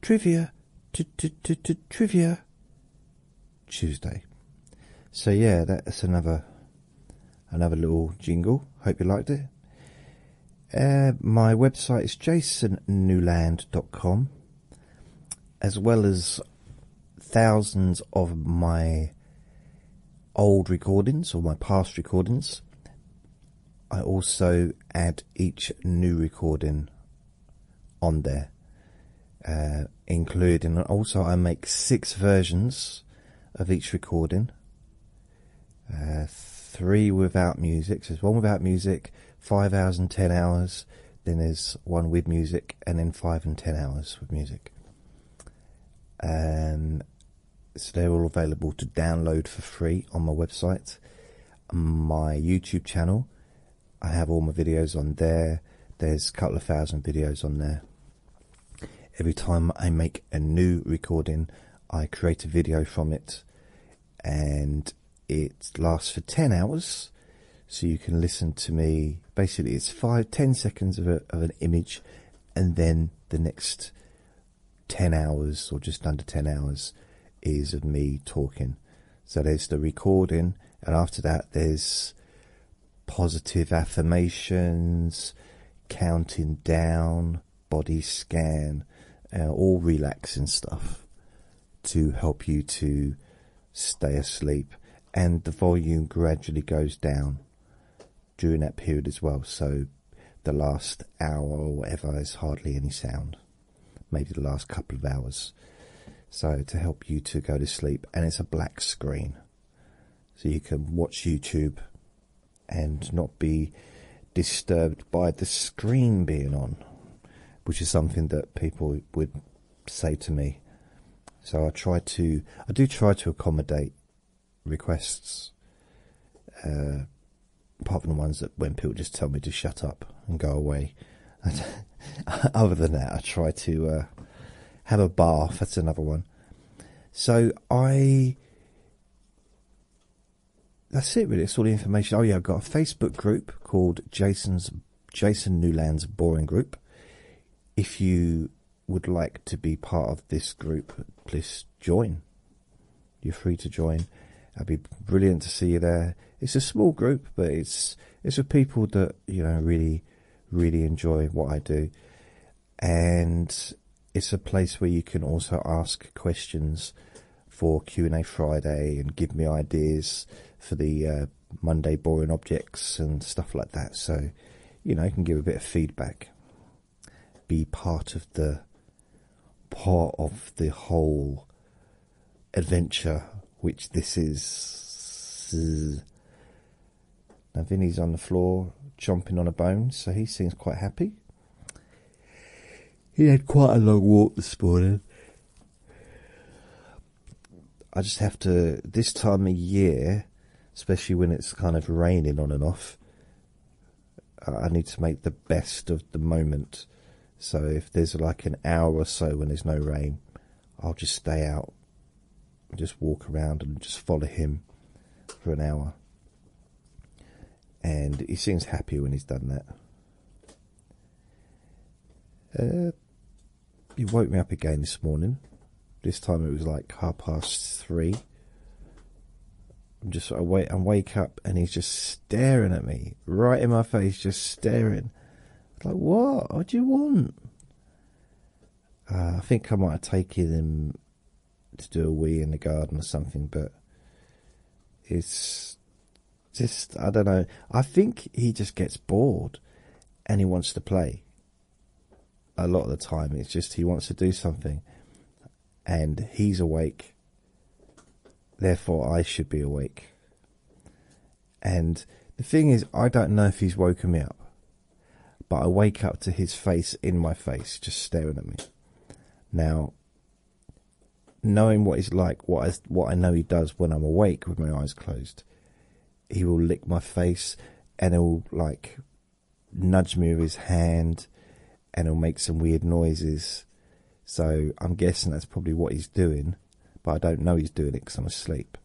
Trivia, t t t t trivia. Tuesday. So yeah, that's another another little jingle. Hope you liked it. Uh, my website is jasonnewland.com, as well as thousands of my old recordings or my past recordings. I also add each new recording on there, uh, including also I make six versions of each recording. Uh, three without music. So there's one without music, five hours and ten hours. Then there's one with music, and then five and ten hours with music. Um, so they're all available to download for free on my website, my YouTube channel, I have all my videos on there. There's a couple of thousand videos on there. Every time I make a new recording, I create a video from it and it lasts for 10 hours. So you can listen to me. Basically, it's five ten seconds of an image and then the next 10 hours or just under 10 hours is of me talking. So there's the recording, and after that, there's positive affirmations, counting down, body scan, uh, all relaxing stuff to help you to stay asleep. And the volume gradually goes down during that period as well. So the last hour or whatever is hardly any sound maybe the last couple of hours. So, to help you to go to sleep, and it's a black screen, so you can watch YouTube and not be disturbed by the screen being on, which is something that people would say to me. So, I try to, I do try to accommodate requests, uh, apart from the ones that when people just tell me to shut up and go away. other than that, I try to uh, have a bath. That's another one. So I. That's it, really. It's all the information. Oh yeah, I've got a Facebook group called Jason's Jason Newland's Boring Group. If you would like to be part of this group, please join. You're free to join. That'd be brilliant to see you there. It's a small group, but it's it's for people that you know really, really enjoy what I do, and it's a place where you can also ask questions for Q and A Friday and give me ideas for the uh, Monday boring objects and stuff like that. So, you know, you can give a bit of feedback, be part of the part of the whole adventure, which this is. Now, Vinny's on the floor chomping on a bone, so he seems quite happy. He had quite a long walk this morning. I just have to, this time of year, especially when it's kind of raining on and off, I need to make the best of the moment. So if there's like an hour or so when there's no rain, I'll just stay out, just walk around and just follow him for an hour. And he seems happy when he's done that. Uh, he woke me up again this morning. This time it was like half past three. I'm just I wait and wake up and he's just staring at me right in my face, just staring. Like, what? What do you want? Uh, I think I might have taken him to do a wee in the garden or something, but it's just, I don't know. I think he just gets bored and he wants to play. A lot of the time, it's just he wants to do something and he's awake. Therefore, I should be awake. And the thing is, I don't know if he's woken me up, but I wake up to his face in my face, just staring at me. Now, knowing what he's like, what I, what I know he does when I'm awake with my eyes closed, he will lick my face and he'll like nudge me with his hand and he'll make some weird noises so I'm guessing that's probably what he's doing, but I don't know he's doing it because I'm asleep.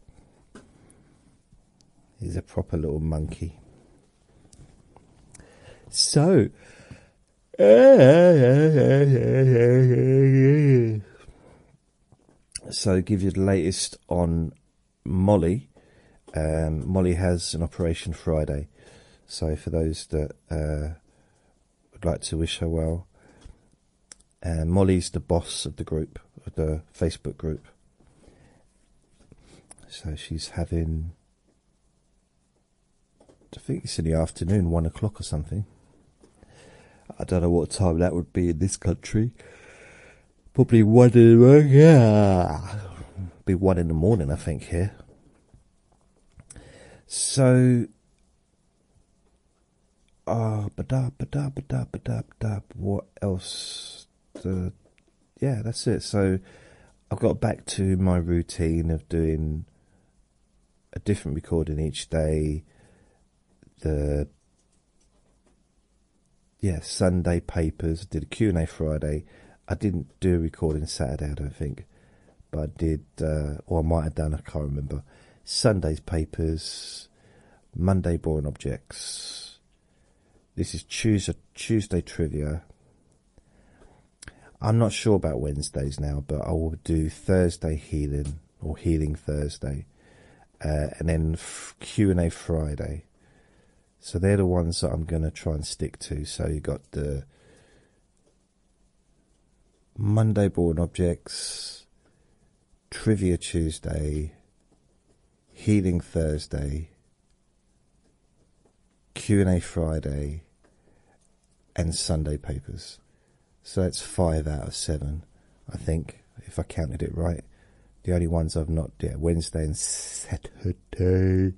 He's a proper little monkey. So. So, give you the latest on Molly. Um, Molly has an operation Friday. So, for those that uh, would like to wish her well, and uh, Molly's the boss of the group, of the Facebook group. So she's having, I think it's in the afternoon, one o'clock or something. I don't know what time that would be in this country. Probably one in the morning. Yeah. Be one in the morning, I think, here. So Ah, uh, ba da ba da ba da ba da da. What else? The yeah, that's it. So I have got back to my routine of doing a different recording each day. The yeah Sunday papers did a Q and A Friday. I didn't do a recording Saturday, I don't think, but I did, uh, or I might have done. I can't remember. Sunday's papers. Monday Born Objects. This is Tuesday, Trivia. I'm not sure about Wednesdays now, but I will do Thursday Healing or Healing Thursday, uh, and then Q and A Friday. So they're the ones that I'm going to try and stick to. So you got the Monday Born Objects, Trivia Tuesday, Healing Thursday, Q&A Friday, and Sunday papers. So that's five out of seven, I think, if I counted it right. The only ones I've not yeah, Wednesday and Saturday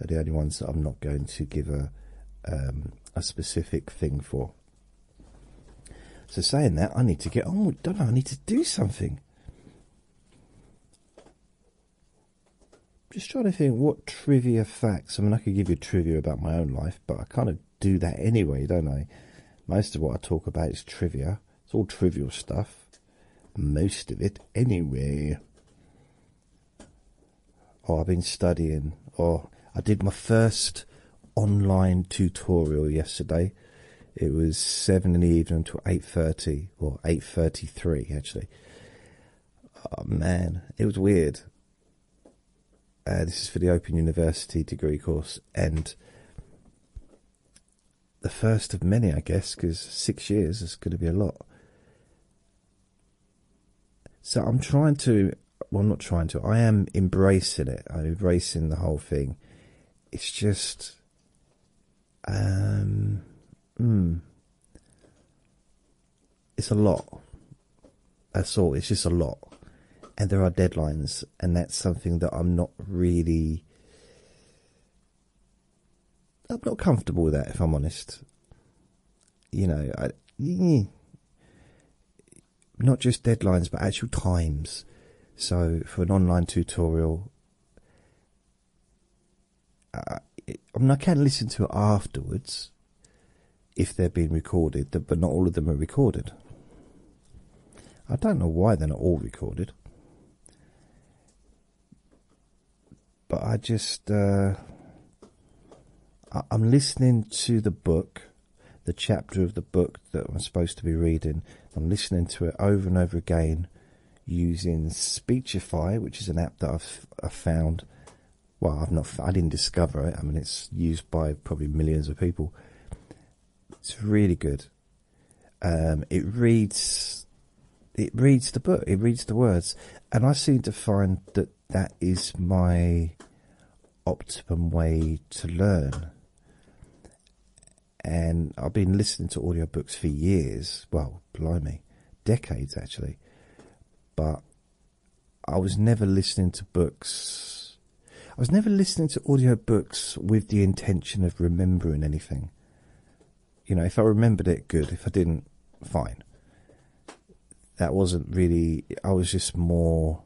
are the only ones that I'm not going to give a um, a specific thing for. So saying that, I need to get on with, don't I? I need to do something. Just trying to think what trivia facts. I mean, I could give you trivia about my own life, but I kind of do that anyway, don't I? Most of what I talk about is trivia. It's all trivial stuff. Most of it, anyway. Oh, I've been studying. Oh, I did my first online tutorial yesterday. It was seven in the evening until eight thirty or eight thirty three actually. Oh man, it was weird. Uh, this is for the Open University degree course and the first of many, I guess, because six years is going to be a lot. So I'm trying to well, I'm not trying to. I am embracing it. I'm embracing the whole thing. It's just, um, hmm. it's a lot. That's all. It's just a lot, and there are deadlines, and that's something that I'm not really. I'm not comfortable with that, if I'm honest. You know, I not just deadlines but actual times. So for an online tutorial, uh, I mean I can listen to it afterwards if they're being recorded, but not all of them are recorded. I don't know why they're not all recorded, but I just uh, I'm listening to the book the chapter of the book that I'm supposed to be reading. I'm listening to it over and over again using Speechify, which is an app that I've, i found. Well, I've not. I didn't discover it. I mean, it's used by probably millions of people. It's really good. Um, it reads, it reads the book. It reads the words, and I seem to find that that is my optimum way to learn. And I've been listening to audiobooks for years, well, blimey, decades actually, but I was never listening to books. I was never listening to audiobooks with the intention of remembering anything. You know, if I remembered it, good. If I didn't, fine. That wasn't really, I was just more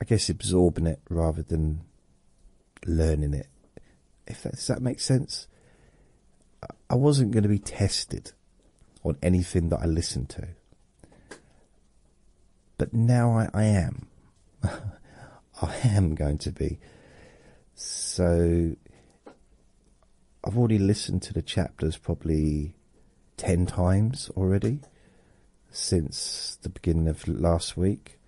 I guess absorbing it rather than learning it. If that, does that make sense? I wasn't going to be tested on anything that I listened to, but now I, I am. I am going to be. So I've already listened to the chapters probably ten times already since the beginning of last week.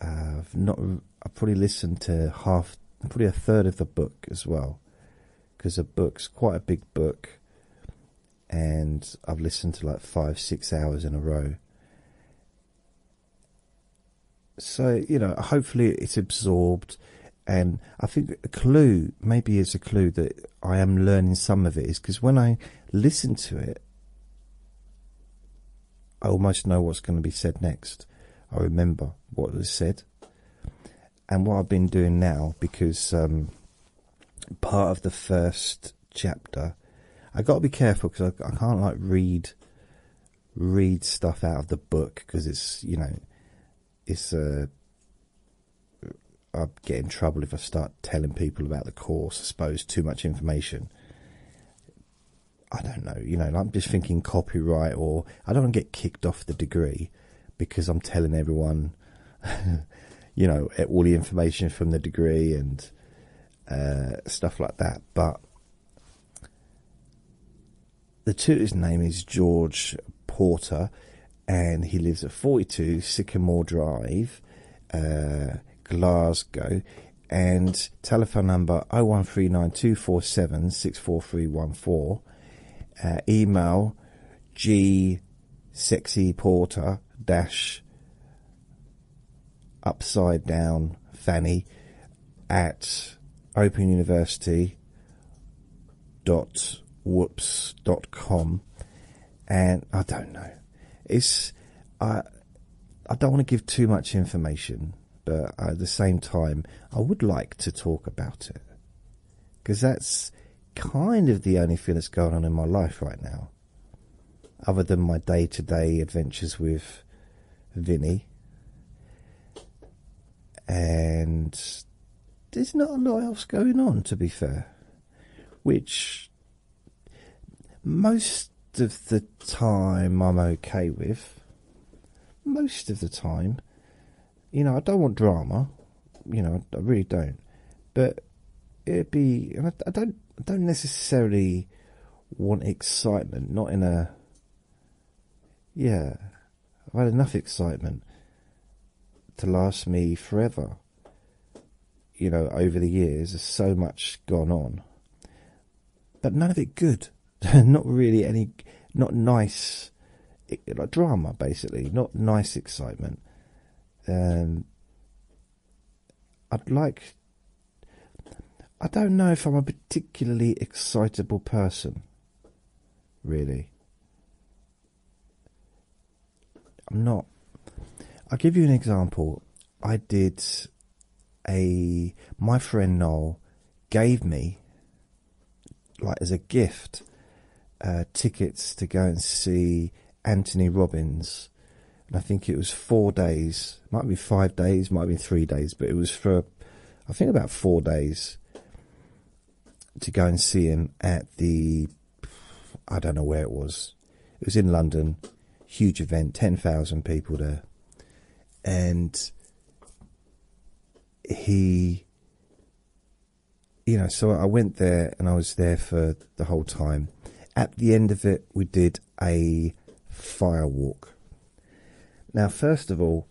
I've not. I probably listened to half, probably a third of the book as well, because the book's quite a big book, and I've listened to like five, six hours in a row. So you know, hopefully it's absorbed, and I think a clue maybe is a clue that I am learning some of it is because when I listen to it, I almost know what's going to be said next. I remember what was said. And what I've been doing now, because um, part of the first chapter, I got to be careful because I, I can't like read read stuff out of the book because it's you know it's a I get in trouble if I start telling people about the course. I suppose too much information. I don't know. You know, I'm just thinking copyright, or I don't get kicked off the degree because I'm telling everyone, you know, all the information from the degree and uh, stuff like that. But the tutor's name is George Porter, and he lives at 42 Sycamore Drive, uh, Glasgow, and telephone number 01392476431. Uh, email g sexyporter dash upside down fanny at open university dot whoops dot com and i don't know it's I I don't want to give too much information, but at the same time, I would like to talk about it because that's kind of the only thing that's going on in my life right now, other than my day-to-day -day adventures with Vinny. And there's not a lot else going on, to be fair, which most of the time I'm okay with. Most of the time. You know, I don't want drama. You know, I really don't. But it'd be, I, don't, don't necessarily want excitement. Not in a, yeah. I've had enough excitement to last me forever you know, over the years, there's so much gone on, but none of it good. not really any, not nice, like drama basically. Not nice excitement. Um, I'd like. I don't know if I'm a particularly excitable person. Really. I'm not. I'll give you an example. I did a. My friend Noel gave me, like as a gift, uh, tickets to go and see Anthony Robbins. And I think it was four days, might be five days, might be three days, but it was for, I think, about four days to go and see him at the. I don't know where it was. It was in London, huge event, 10,000 people there. And he, you know, so I went there and I was there for the whole time. At the end of it, we did a fire walk. Now, first of all,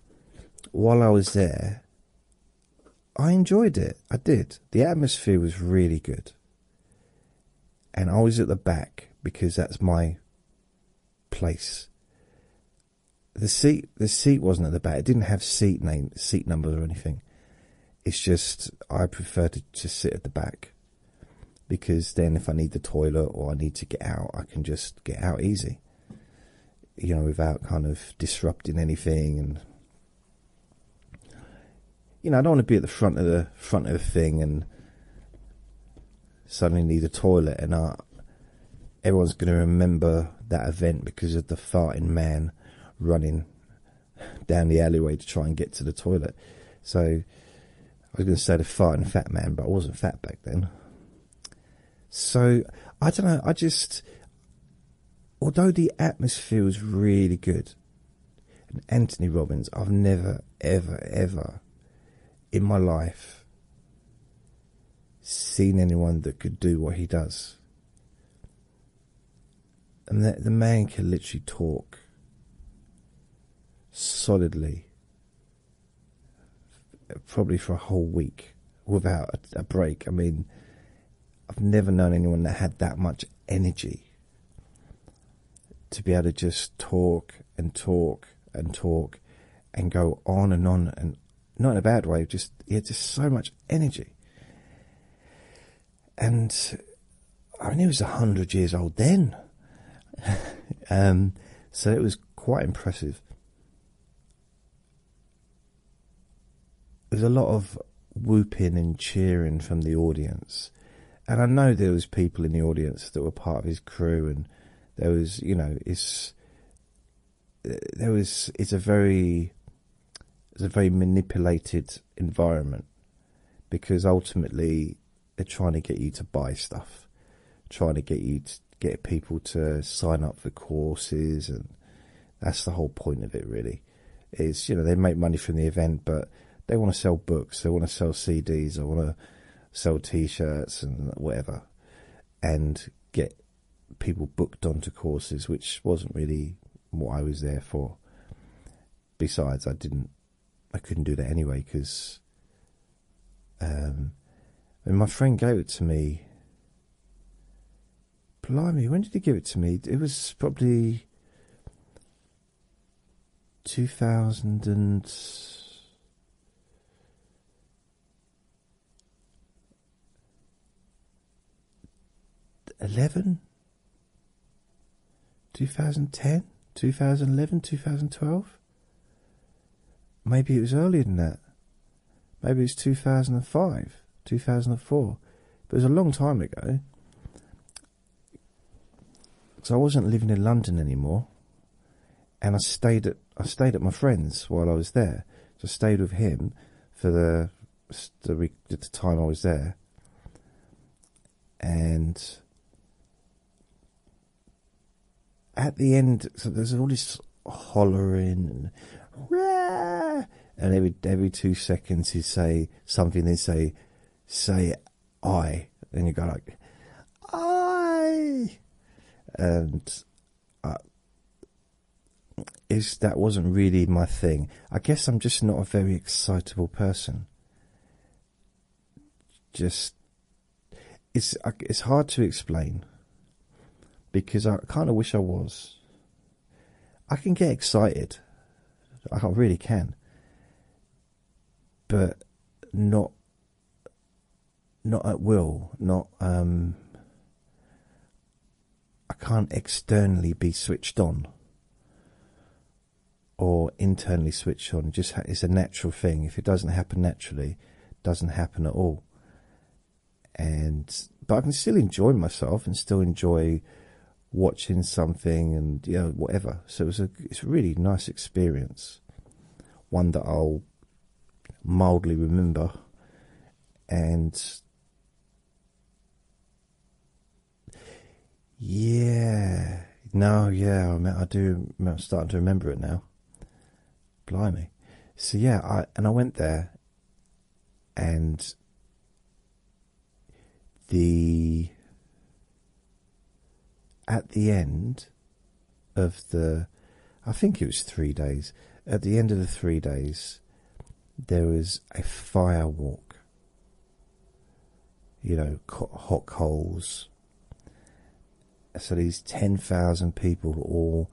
while I was there, I enjoyed it. I did. The atmosphere was really good and I was at the back because that's my place. The seat, the seat wasn't at the back. It didn't have seat name, seat numbers or anything. It's just I prefer to just sit at the back because then if I need the toilet or I need to get out, I can just get out easy. You know, without kind of disrupting anything and you know, I don't want to be at the front of the front of the thing and suddenly need a toilet, and uh, everyone's going to remember that event because of the farting man running down the alleyway to try and get to the toilet. So I was going to say the farting fat man, but I wasn't fat back then. So I don't know. I just, although the atmosphere was really good, and Anthony Robbins. I've never, ever, ever in my life seen anyone that could do what he does. And that the man can literally talk solidly, probably for a whole week without a break. I mean, I've never known anyone that had that much energy to be able to just talk and talk and talk and go on and on and not in a bad way just yeah just so much energy and i mean he was 100 years old then um, so it was quite impressive there's a lot of whooping and cheering from the audience. And I know there was people in the audience that were part of his crew, and there was, you know, it's there was it's a very it's a very manipulated environment because ultimately they're trying to get you to buy stuff, trying to get you to get people to sign up for courses, and that's the whole point of it, really is you know they make money from the event, but they want to sell books, they want to sell CDs, they want to sell T-shirts and whatever, and get people booked onto courses, which wasn't really what I was there for. Besides, I didn't, I couldn't do that anyway because. Um, my friend gave it to me. Blimey, when did he give it to me? It was probably two thousand and eleven, two thousand ten, two thousand eleven, two thousand twelve. Maybe it was earlier than that. Maybe it was two thousand and five, two thousand and four. But it was a long time ago because I wasn't living in London anymore, and I stayed at I stayed at my friend's while I was there. So I stayed with him for the the, time I was there, and at the end, so there's all this hollering and every every two seconds he'd say something. They'd say, "Say I. And you go like, I. And uh, is that wasn't really my thing. I guess I'm just not a very excitable person. Just it's it's hard to explain because I kind of wish I was. I can get excited. I really can but not not at will, not um, I can't externally be switched on or internally switched on. just ha it's a natural thing. If it doesn't happen naturally, it doesn't happen at all. And but I can still enjoy myself and still enjoy watching something and you whatever. So it's a it's really nice experience, one that I'll mildly remember, and yeah, no, yeah, I, mean, I do. I'm starting to remember it now. Blimey, so yeah, I and I went there, and the at the end of the I think it was three days at the end of the three days there was a fire walk you know hot coals so these 10,000 people all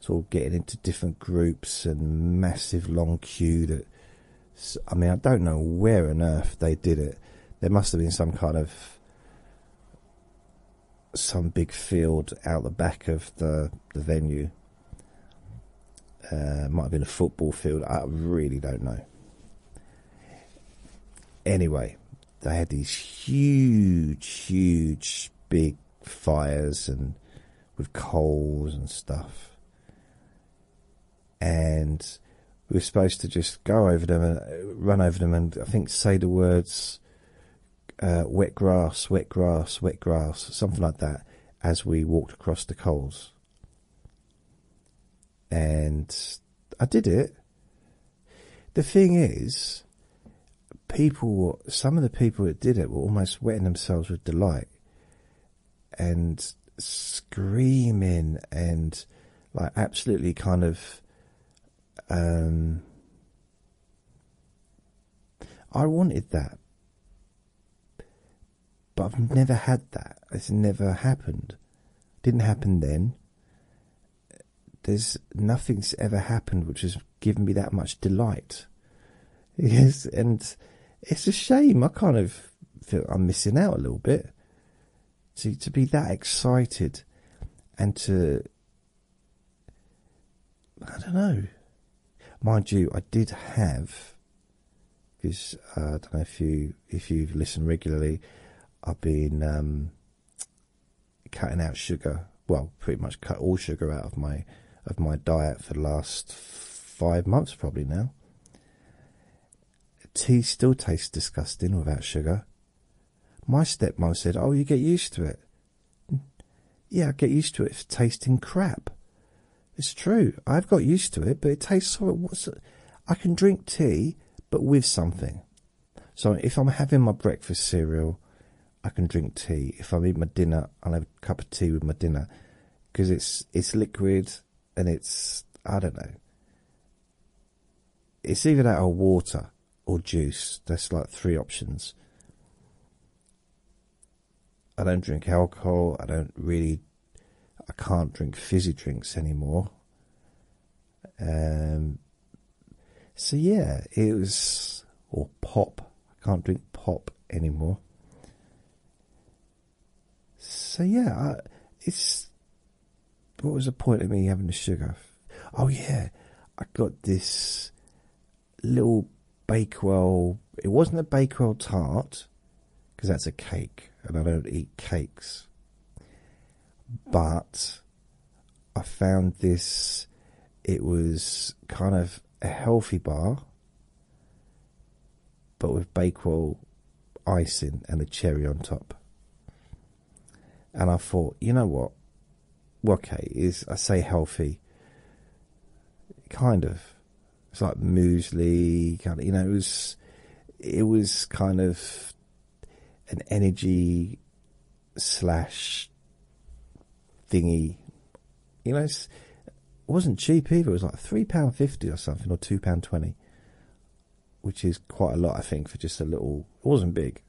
sort of getting into different groups and massive long queue that I mean, I don't know where on earth they did it. There must have been some kind of some big field out the back of the the venue. Uh, might have been a football field. I really don't know. Anyway, they had these huge, huge, big fires and with coals and stuff and we were supposed to just go over them and uh, run over them and I think say the words uh, wet grass, wet grass, wet grass, something like that as we walked across the coals. And I did it. The thing is, people, some of the people that did it were almost wetting themselves with delight and screaming and like absolutely kind of um, I wanted that. But I've never had that. It's never happened. Didn't happen then. There's nothing's ever happened which has given me that much delight. Yes, and it's a shame. I kind of feel I'm missing out a little bit to to be that excited and to I don't know. Mind you, I did have because uh, I don't know if you if you have listened regularly. I've been um, cutting out sugar. Well, pretty much cut all sugar out of my of my diet for the last five months, probably now tea still tastes disgusting without sugar. My stepmother said, Oh, you get used to it. Yeah, I get used to it. It's tasting crap. It's true. I've got used to it, but it tastes so. I can drink tea, but with something. So if I'm having my breakfast cereal, I can drink tea. If I'm eating my dinner, I'll have a cup of tea with my dinner because it's it's liquid and it's I don't know. It's either that or water or juice. There's like three options. I don't drink alcohol. I don't really. I can't drink fizzy drinks anymore. Um. So yeah, it was or pop. I can't drink pop anymore. So yeah, it's what was the point of me having the sugar? Oh yeah, I got this little Bakewell. It wasn't a Bakewell tart because that's a cake, and I don't eat cakes. But I found this. It was kind of a healthy bar, but with Bakewell icing and a cherry on top. And I thought, you know what? okay, is I say healthy, kind of. It's like muesli, kind of. You know, it was, it was kind of an energy slash thingy. You know, it wasn't cheap either. It was like three pound fifty or something, or two pound twenty which is quite a lot, I think, for just a little. It wasn't big.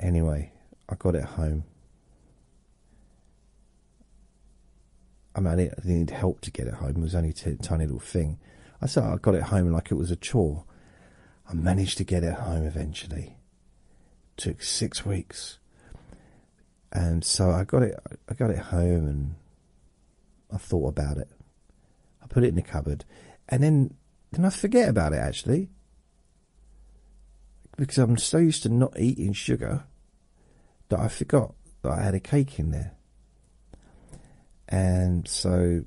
Anyway, I got it home. I mean, I needed help to get it home. It was only a tiny little thing. I said I got it home like it was a chore. I managed to get it home eventually. took six weeks, and so I got it. I got it home, and I thought about it. I put it in the cupboard, and then then I forget about it actually, because I'm so used to not eating sugar that I forgot that I had a cake in there, and so.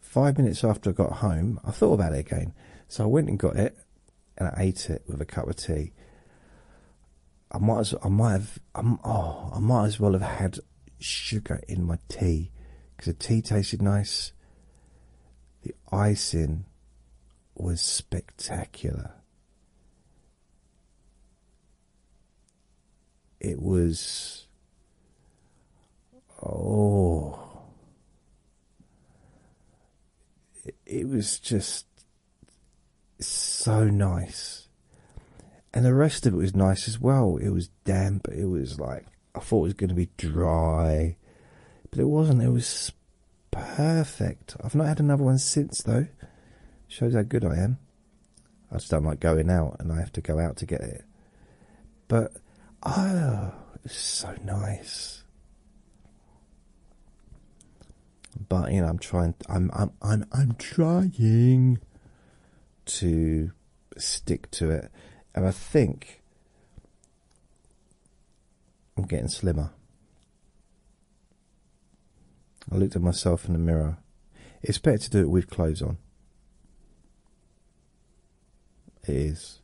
Five minutes after I got home, I thought about it again. So I went and got it and I ate it with a cup of tea. I might as I might have um, oh I might as well have had sugar in my tea because the tea tasted nice. The icing was spectacular. It was oh. It was just so nice. And the rest of it was nice as well. It was damp. It was like I thought it was going to be dry, but it wasn't. It was perfect. I've not had another one since though. Shows how good I am. I just don't like going out, and I have to go out to get it. But oh, it's so nice but you know, I'm trying. I'm I'm I'm I'm trying to stick to it, and I think I'm getting slimmer. I looked at myself in the mirror. It's better to do it with clothes on. It is,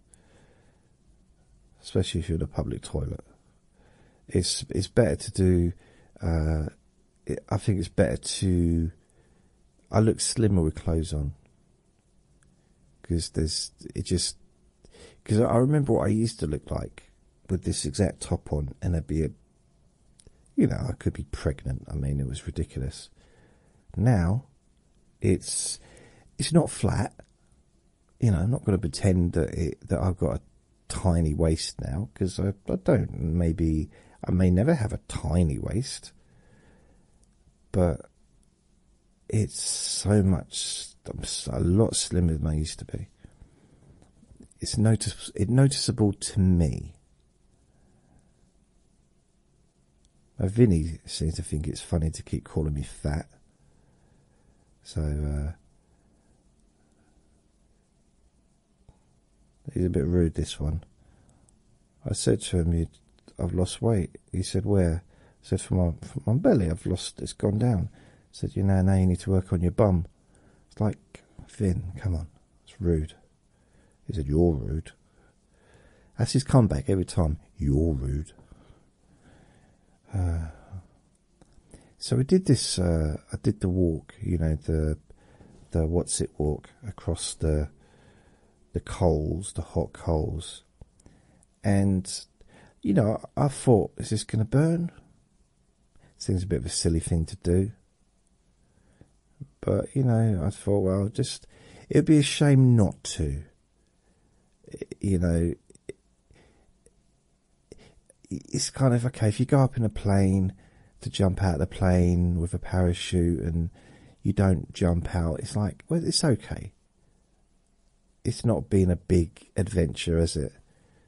especially if you're in a public toilet. It's it's better to do. Uh, I think it's better to. I look slimmer with clothes on. Because there's it just because I remember what I used to look like with this exact top on, and I'd be a, you know, I could be pregnant. I mean, it was ridiculous. Now, it's it's not flat. You know, I'm not going to pretend that it that I've got a tiny waist now because I, don't. Maybe I may never have a tiny waist, but it's so much. I'm a lot slimmer than I used to be. It's notice. It noticeable to me. Now, Vinny seems to think it's funny to keep calling me fat. So, uh, He's a bit rude, this one. I said to him, you, I've lost weight. He said, Where? I said, From my, from my belly, I've lost, it's gone down. He said, You know, now you need to work on your bum. It's like, Finn, come on. It's rude. He said, You're rude. That's his comeback every time. You're rude. Uh, so we did this. Uh, I did the walk. You know the the what's it walk across the the coals, the hot coals, and you know I thought, is this going to burn? Seems a bit of a silly thing to do. But you know, I thought, well, just it'd be a shame not to. You know, it's kind of okay if you go up in a plane to jump out the plane with a parachute and you don't jump out. It's like well, it's okay. It's not being a big adventure, is it?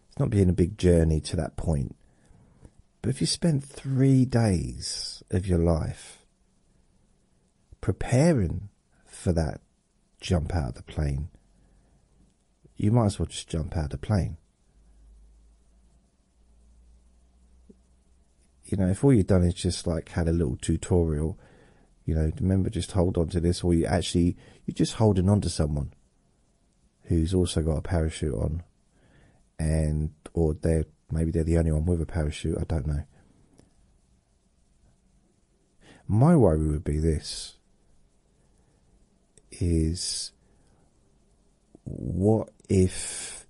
It's not being a big journey to that point. But if you spend three days of your life preparing for that jump out of the plane, you might as well just jump out of the plane you know, if all you've done is just like had a little tutorial, you know, remember just hold on to this, or you actually you're just holding on to someone who's also got a parachute on, and or they maybe they're the only one with a parachute. I don't know. My worry would be this: is what if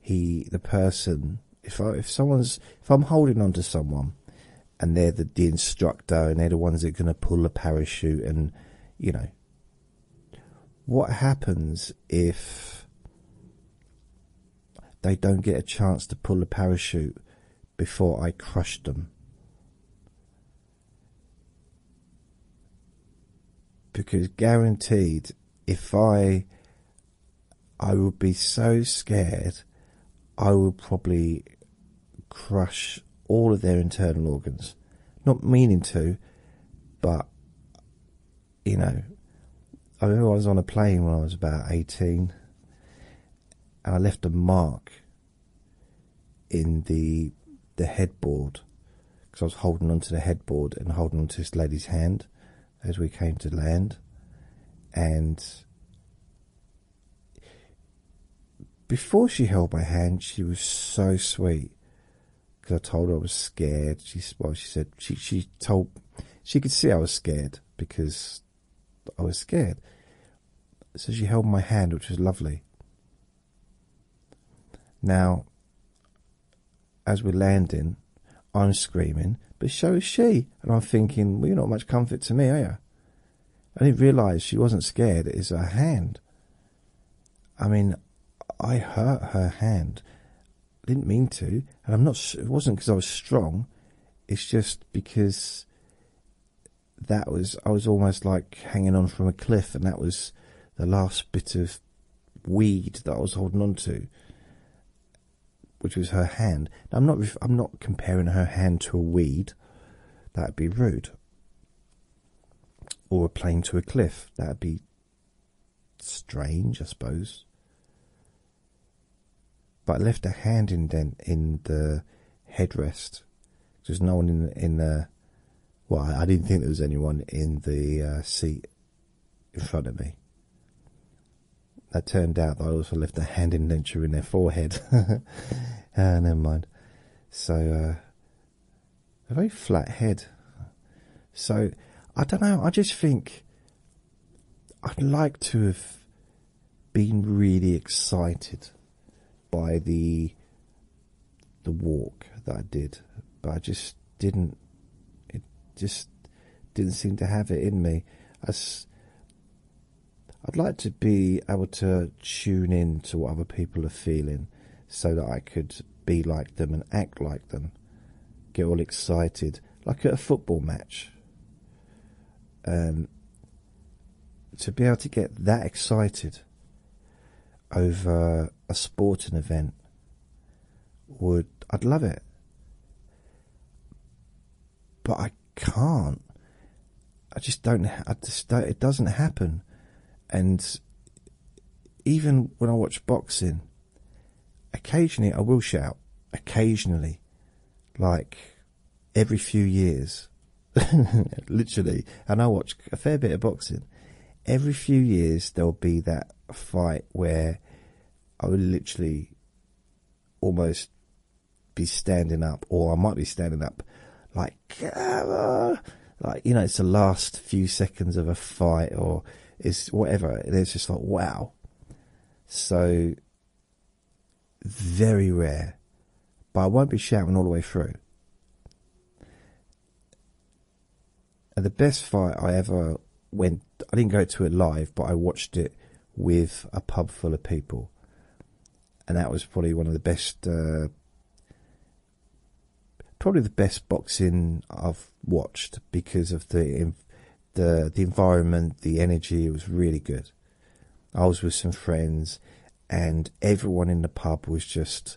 he the person if if someone's if I'm holding on to someone and they're the, the instructor and they're the ones that are going to pull the parachute and you know what happens if they don't get a chance to pull the parachute before I crush them because guaranteed, if I, I would be so scared, I would probably crush all of their internal organs. Not meaning to, but you know, I remember I was on a plane when I was about 18 and I left a mark in the the headboard because I was holding onto the headboard and holding onto this lady's hand as we came to land, and before she held my hand, she was so sweet because I told her I was scared. She well, she said she she told she could see I was scared because I was scared, so she held my hand, which was lovely. Now, as we're landing, I'm screaming, but so is she. And I'm thinking, well, you're not much comfort to me, are you? I didn't realise she wasn't scared, it's her hand. I mean, I hurt her hand. I didn't mean to, and I'm not. It wasn't because I was strong. It's just because that was. I was almost like hanging on from a cliff, and that was the last bit of weed that I was holding on to, which was her hand. I'm not. I'm not comparing her hand to a weed. That'd be rude. Or a plane to a cliff. That'd be strange, I suppose. But I left a hand indent in the headrest. There's no one in in the uh, well, I didn't think there was anyone in the uh, seat in front of me. That turned out that I also left a hand indenture in their forehead. ah, never mind. So, uh, a very flat head. So, I don't know, I just think I'd like to have been really excited by the the walk that I did, but I just didn't. It just didn't seem to have it in me. i s I'd like to be able to tune in to what other people are feeling, so that I could be like them and act like them. Get all excited, like at a football match. Um, to be able to get that excited over a sporting event would I'd love it. But I can't. I just don't. it doesn't happen. And even when I watch boxing, occasionally I will shout. Occasionally, like every few years, literally. And I watch a fair bit of boxing every few years there'll be that fight where I will literally almost be standing up, or I might be standing up, like, ah, like you know, it's the last few seconds of a fight, or it's whatever. it's just like, wow. So very rare, but I won't be shouting all the way through. And the best fight I ever went, I didn't go to it live, but I watched it with a pub full of people. And that was probably one of the best, uh, probably the best boxing I've watched because of the the the environment, the energy. It was really good. I was with some friends, and everyone in the pub was just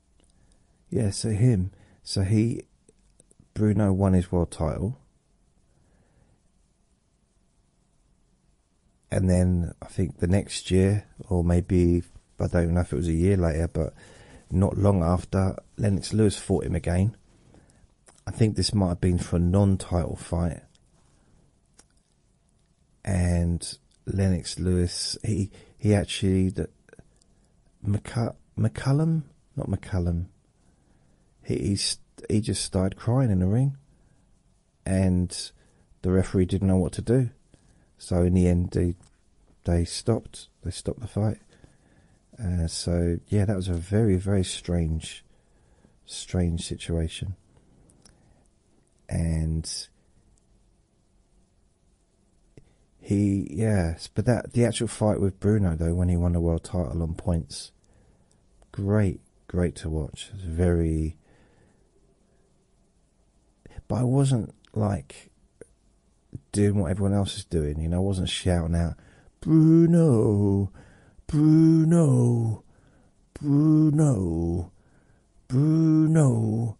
Yes, so him. So he, Bruno won his world title. And then I think the next year, or maybe, I don't know if it was a year later, but not long after, Lennox Lewis fought him again. I think this might have been for a non title fight and Lennox Lewis. He he actually the McCullum, not McCullum. He he, he just started crying in the ring, and the referee didn't know what to do. So in the end, they they stopped. They stopped the fight. Uh, so yeah, that was a very very strange, strange situation. And he yes, but that the actual fight with Bruno though when he won the world title on points, great, great to watch. very. But I wasn't like doing what everyone else is doing. You know, I wasn't shouting out, Bruno, Bruno, Bruno. Bruno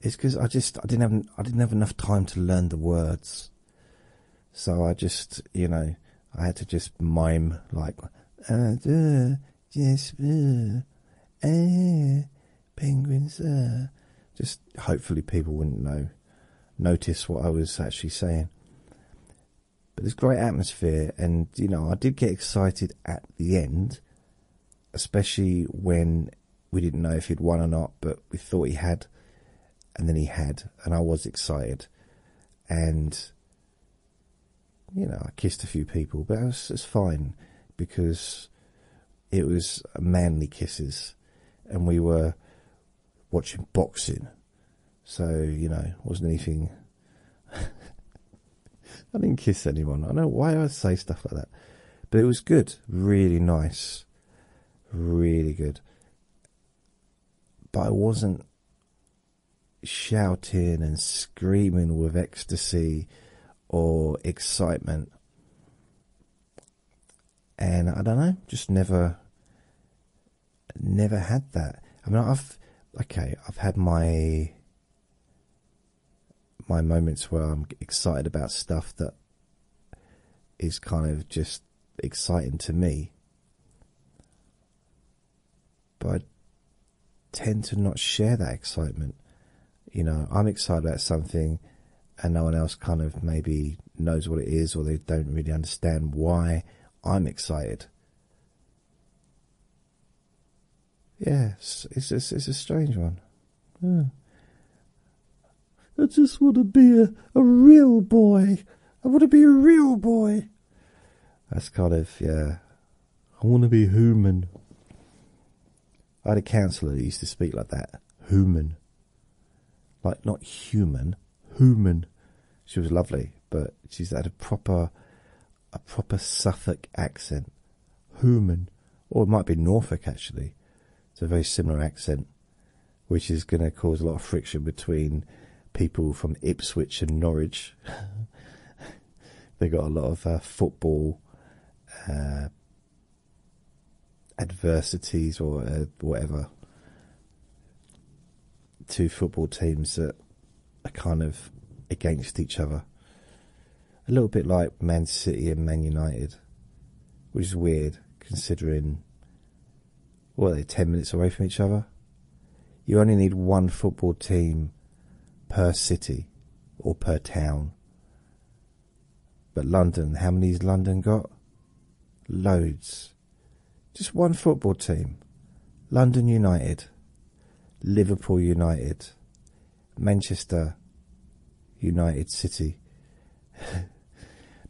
is because I just I didn't have I didn't have enough time to learn the words, so I just you know I had to just mime like uh, yes uh, eh, penguins uh. just hopefully people wouldn't know notice what I was actually saying. But there's great atmosphere, and you know I did get excited at the end especially when we didn't know if he'd won or not, but we thought he had, and then he had, and I was excited. And, you know, I kissed a few people, but it was, it fine because it was manly kisses, and we were watching boxing. So, you know, wasn't anything. I didn't kiss anyone. I know why I say stuff like that. But it was good really nice, really good. But I wasn't shouting and screaming with ecstasy or excitement. And I don't know, just never, never had that. I mean, I've okay, I've had my my moments where I'm excited about stuff that is kind of just exciting to me. But I tend to not share that excitement. You know, I'm excited about something and no one else kind of maybe knows what it is or they don't really understand why I'm excited. Yes, it's, it's a strange one. I just want to be a, a real boy. I want to be a real boy. That's kind of, yeah. I want to be human. I had a counsellor who used to speak like that. Human. Like, not human. Human. She was lovely, but she had a proper, a proper Suffolk accent. Human or it might be Norfolk actually. It's a very similar accent, which is going to cause a lot of friction between people from Ipswich and Norwich. they got a lot of uh, football uh, adversities or uh, whatever. Two football teams that are kind of against each other a little bit like Man City and Man United, which is weird considering what are they ten minutes away from each other. You only need one football team per city or per town. But London, how many's London got? Loads. Just one football team. London United, Liverpool United, Manchester United City.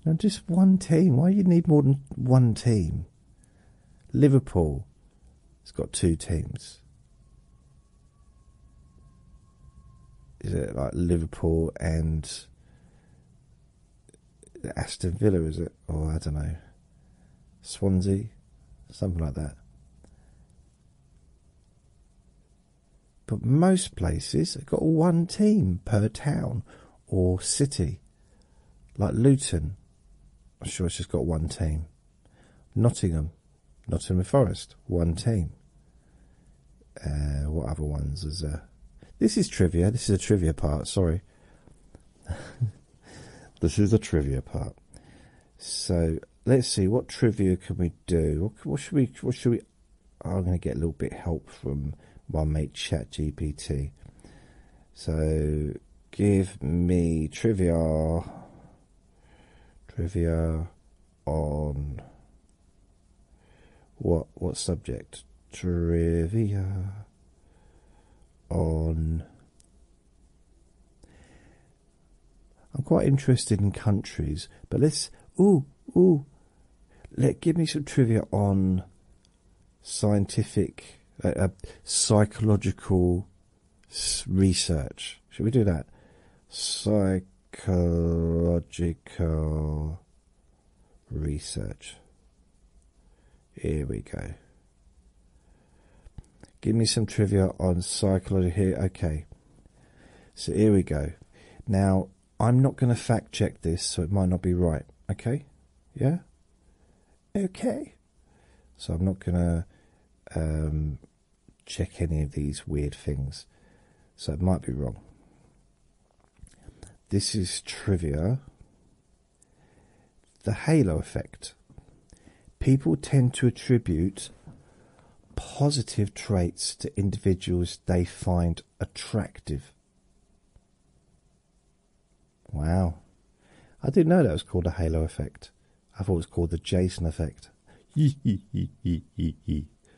Now, just one team. Why do you need more than one team? Liverpool has got two teams. Is it like Liverpool and Aston Villa? Is it? Or I don't know. Swansea? Something like that. But most places have got one team per town or city. Like Luton, I'm sure it's just got one team. Nottingham, Nottingham Forest, one team. Uh, what other ones is there? This is trivia. This is a trivia part. Sorry. this is a trivia part. So let's see what trivia can we do. What should we? What should we I'm going to get a little bit help from my mate ChatGPT. So give me trivia, trivia on what what subject? Trivia on. I'm quite interested in countries, but let's. Oh, ooh. Let give me some trivia on scientific, uh, uh psychological research. Should we do that? Psychological research. Here we go. Give me some trivia on psychology here. Okay. So here we go. Now, I'm not going to fact check this, so it might not be right. Okay? Yeah? Okay. So I'm not going to um, check any of these weird things. So it might be wrong. This is trivia. The halo effect. People tend to attribute positive traits to individuals they find attractive. Wow. I didn't know that was called a halo effect. I thought it was called the Jason effect.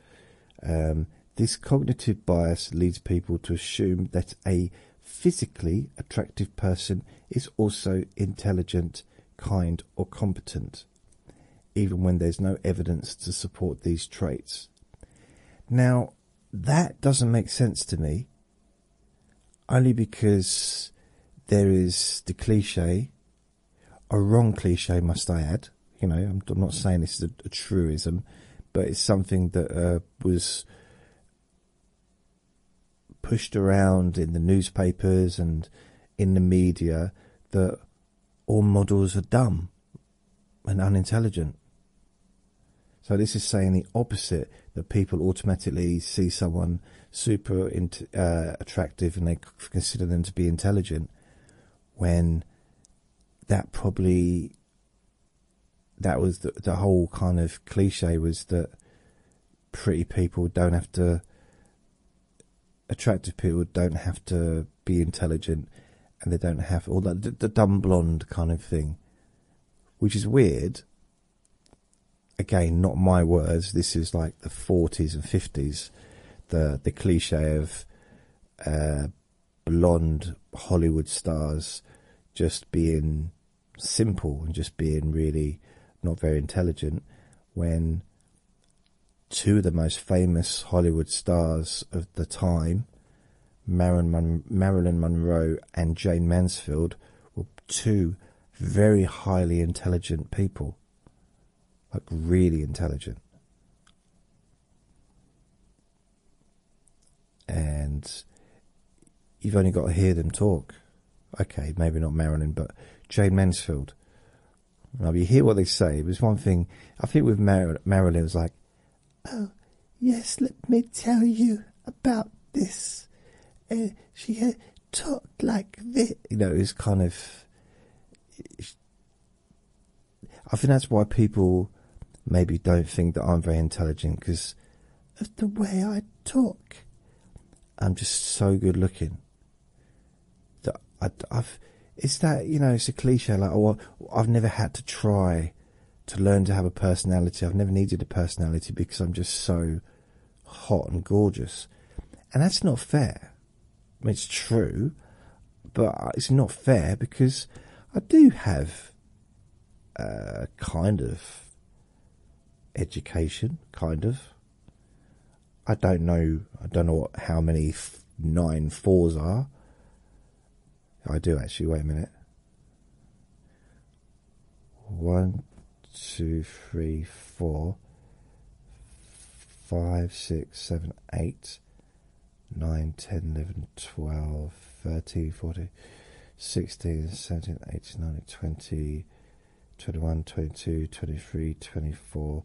um, this cognitive bias leads people to assume that a physically attractive person is also intelligent, kind, or competent even when there's no evidence to support these traits. Now, that doesn't make sense to me, only because there is the cliche, a wrong cliche, must I add. You know, I'm, not saying this is a, truism, but it's something that uh, was pushed around in the newspapers and in the media that all models are dumb and unintelligent. So this is saying the opposite that people automatically see someone super uh, attractive and they consider them to be intelligent when that probably that was the whole kind of cliche was that pretty people don't have to attractive people don't have to be intelligent and they don't have all that the, the dumb blonde kind of thing, which is weird. Again, not my words. This is like the 40s and 50s, the the cliche of uh, blonde Hollywood stars just being simple and just being really not very intelligent. When Two of the most famous Hollywood stars of the time, Marilyn Monroe and Jane Mansfield, were two very highly intelligent people. Like, really intelligent. And you've only got to hear them talk. Okay, maybe not Marilyn, but Jane Mansfield you hear what they say. It was one thing. I think with Mar Marilyn was like, "Oh, yes, let me tell you about this." Uh, she had talked like this. You know, it was kind of. I think that's why people maybe don't think that I'm very intelligent because of the way I talk. I'm just so good looking. I, I've it's that you know it's a cliche like oh, I've never had to try to learn to have a personality. I've never needed a personality because I'm just so hot and gorgeous, and that's not fair. it's true, but it's not fair because I do have a kind of education, kind of. I don't know. I don't know how many nine fours are. I do actually, wait a minute. One, two, three, four, five, six, seven, eight, nine, ten, eleven, twelve, thirteen, fourteen, sixteen, seventeen, eighteen, nineteen, twenty, twenty-one, twenty-two, twenty-three, twenty-four,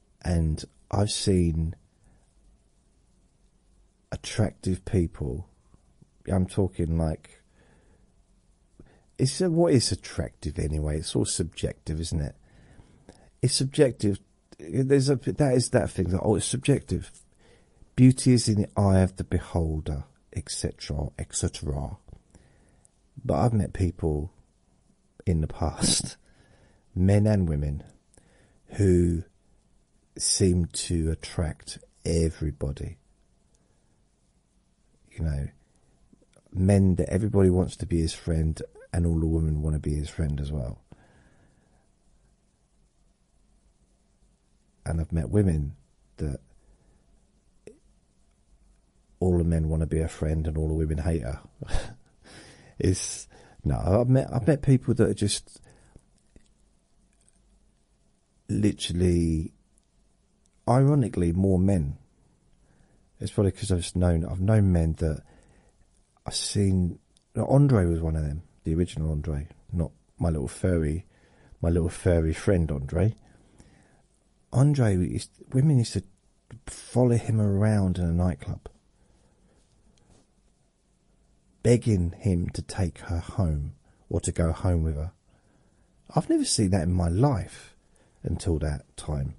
and I've seen attractive people. I'm talking like it's what is attractive anyway. It's all subjective, isn't it? It's subjective. There's a that is that thing that oh, it's subjective. Beauty is in the eye of the beholder, etc., etc. But I've met people in the past, men and women, who seem to attract everybody. You know, men that everybody wants to be his friend, and all the women want to be his friend as well. And I've met women that all the men want to be a friend and all the women hate her. it's no, I've met I've met people that are just literally, ironically, more men. It's probably because I've known I've known men that I've seen. Andre was one of them, the original Andre, not my little furry, my little furry friend Andre. Andre, women used follow him around in a nightclub, begging him to take her home or to go home with her. I've never seen that in my life until that time.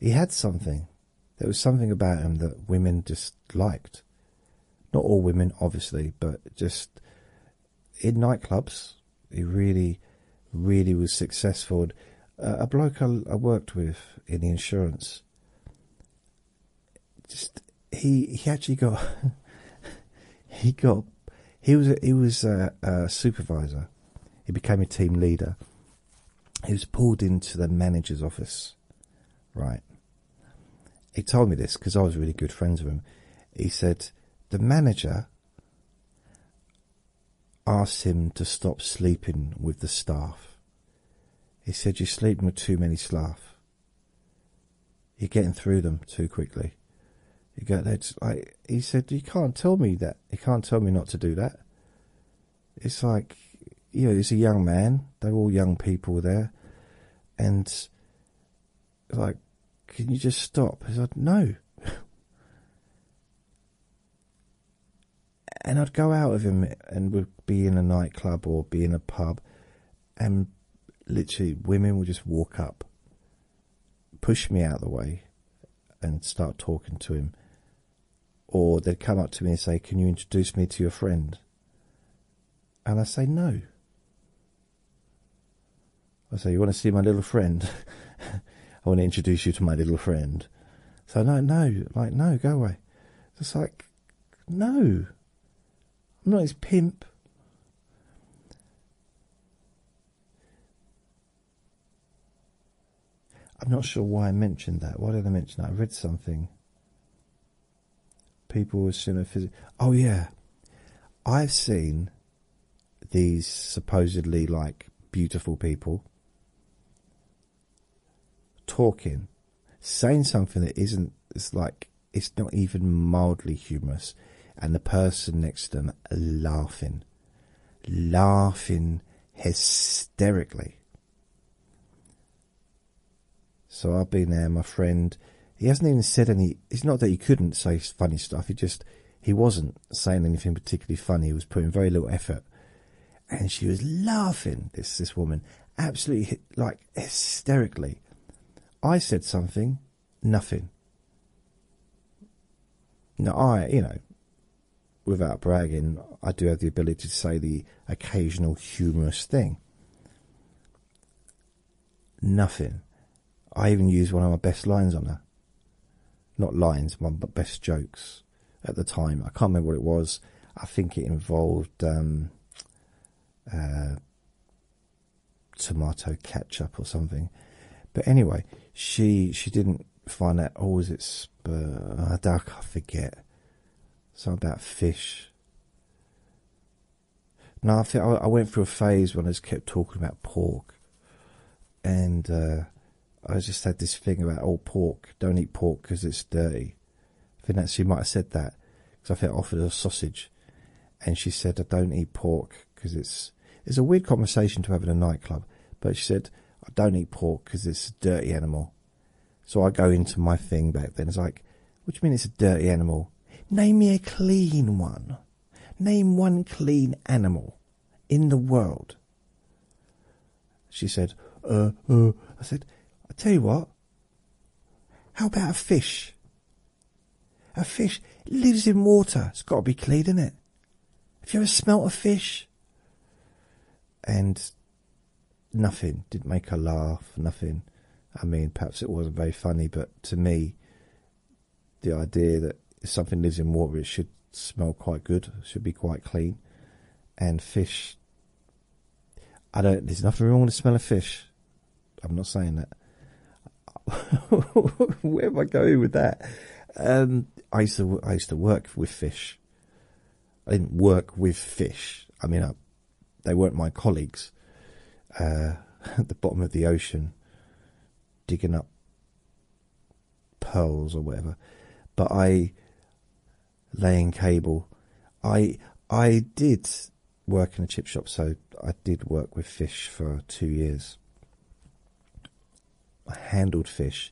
He had something. There was something about him that women disliked. Not all women, obviously, but just in nightclubs, he really, really was successful a bloke I, worked with in the insurance, just he he actually got he got he was he was a supervisor. He became a team leader. He was pulled into the manager's office, right? He told me this because I was really good friends with him. He said the manager asked him to stop sleeping with the staff. He said, You're sleeping with too many staff. You're getting through them too quickly. You got that. Like he said, you can't tell me that. You can't tell me not to do that. It's like, you know, he's a young man. They're all young people there, and like, can you just stop? I said, no and I'd go out with him and we'd be in a nightclub or be in a pub, and literally women would just walk up, push me out of the way, and start talking to him. Or they'd come up to me and say, Can you introduce me to your friend? And I say, No. I say, You want to see my little friend? I want to introduce you to my little friend. So no, no, like no, go away. It's like no, I'm not his pimp. I'm not sure why I mentioned that. Why did I mention that? I read something. People assume a physical. Oh yeah, I've seen these supposedly like beautiful people talking, saying something that isn't, it's like, it's not even mildly humorous, and the person next to them laughing, laughing hysterically. So I've been there, my friend. He hasn't even said any. It's not that he couldn't say funny stuff. He just he wasn't saying anything particularly funny. He was putting very little effort, and she was laughing. This this woman absolutely like hysterically. I said something, nothing. Now I, you know, without bragging, I do have the ability to say the occasional humorous thing. Nothing. I even used one of my best lines on her. Not lines, my best jokes at the time. I can't remember what it was. I think it involved um, uh, tomato ketchup or something. But anyway, she she didn't find that. Oh, was it I don't. forget. Something about fish. No, I think I, went through a phase when I just kept talking about pork, and uh, I just had this thing about old oh, pork, don't eat pork because it's dirty. I think that she might have said that because I think I offered her sausage, and she said I don't eat pork because it's it's a weird conversation to have in a nightclub. But she said I don't eat pork because it's a dirty animal. So I go into my thing back then. It's like, what do you mean it's a dirty animal? Name me a clean one. Name one clean animal in the world. She said, uh, uh. I said, I tell you what, how about a fish? A fish lives in water. It's got to be clean, isn't it? Have you ever smelt a fish? And nothing didn't make her laugh, nothing. I mean, perhaps it wasn't very funny, but to me, the idea that something lives in water, it should smell quite good, should be quite clean. And fish I don't. There's nothing wrong with the smell of fish. I'm not saying that. Where am I going with that? Um, I used to. I used to work with fish. I didn't work with fish. I mean, they weren't my colleagues. Uh, at the bottom of the ocean, digging up pearls or whatever. But I, laying cable. I I did work in a chip shop, so I did work with fish for two years. I handled fish,